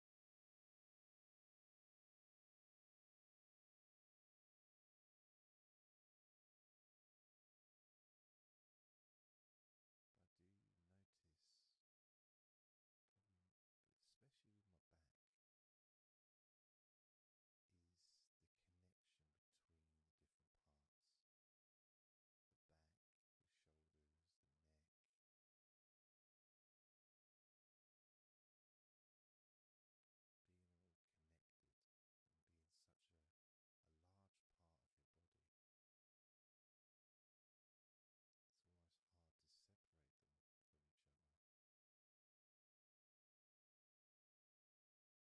But I do notice, especially with my back, is the connection between the different parts the back, the shoulders, the neck, being connected and being such a, large part of your body, it's almost hard to separate them from each other. And my lower back is starting to relax on its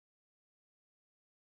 own.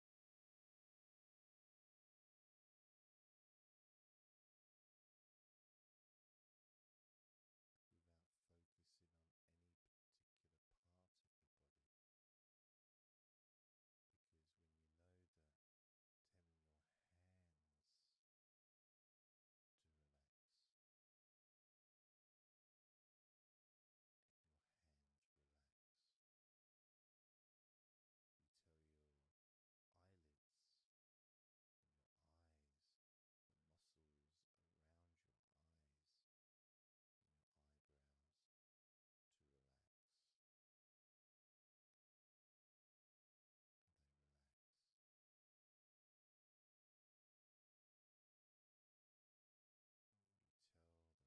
without focusing on any particular part of your body. Because when you know that, telling your hands to relax, your hands relax until your eyelids and your eyes, the muscles around your eyes your eyebrows to relax. They relax. tell the back of your neck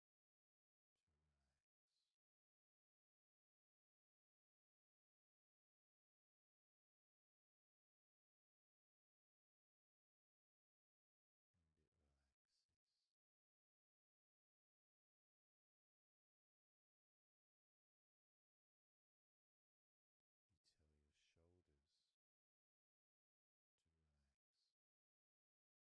until your shoulders to relax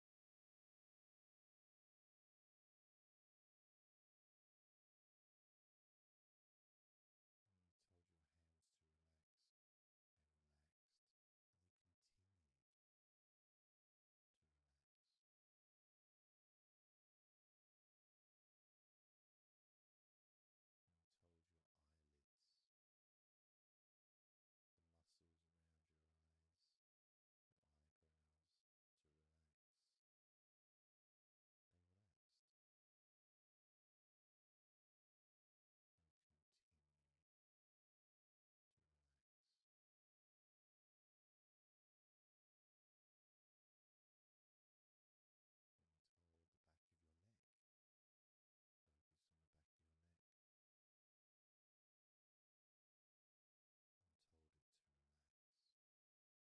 And you told your hands to relax, they relaxed, and you continued to relax. And you told your eyelids, the muscles around your eyes eyebrows to relax. They relaxed. And continue to relax. Now toward the back of your neck. Focus on the back of your neck and told it to relax. It relaxed and continued to relax. And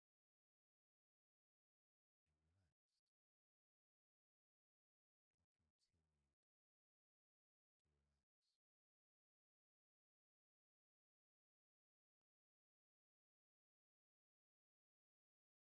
you told your upper back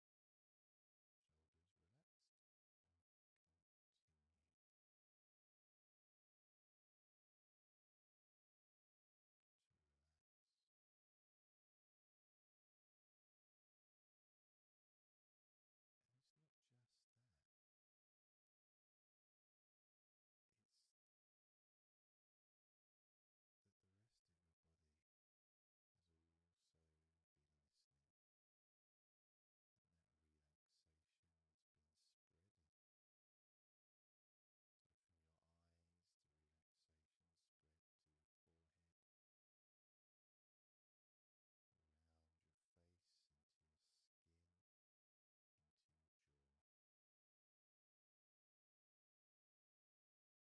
Shoulders relax, it's not just that, it's that the rest of your body is also relaxing that relaxation has been spreading. Open your eyes, the relaxation spread to your forehead, around your face, into your skin, into your jaw.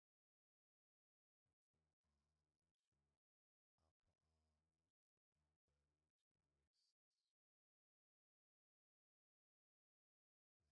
upper arms, elbows, wrists. Let it go. Your lower back, up hips, buttocks, groin,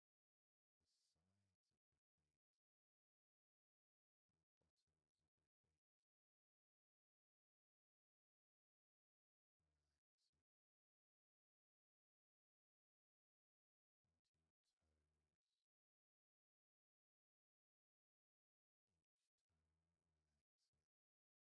the sides of the feet, and the bottoms of the feet. Relaxing into your toes, each toe relaxing. Arms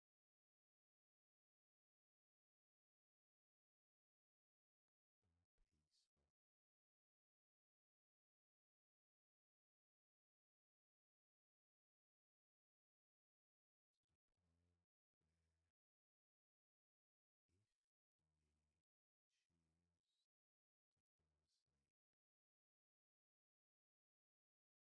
more peaceful. To the point where, if you choose to fall asleep,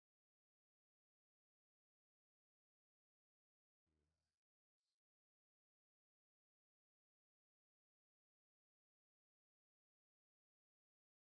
Relax. Observe those familiar sensations of comfort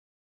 sixty fifty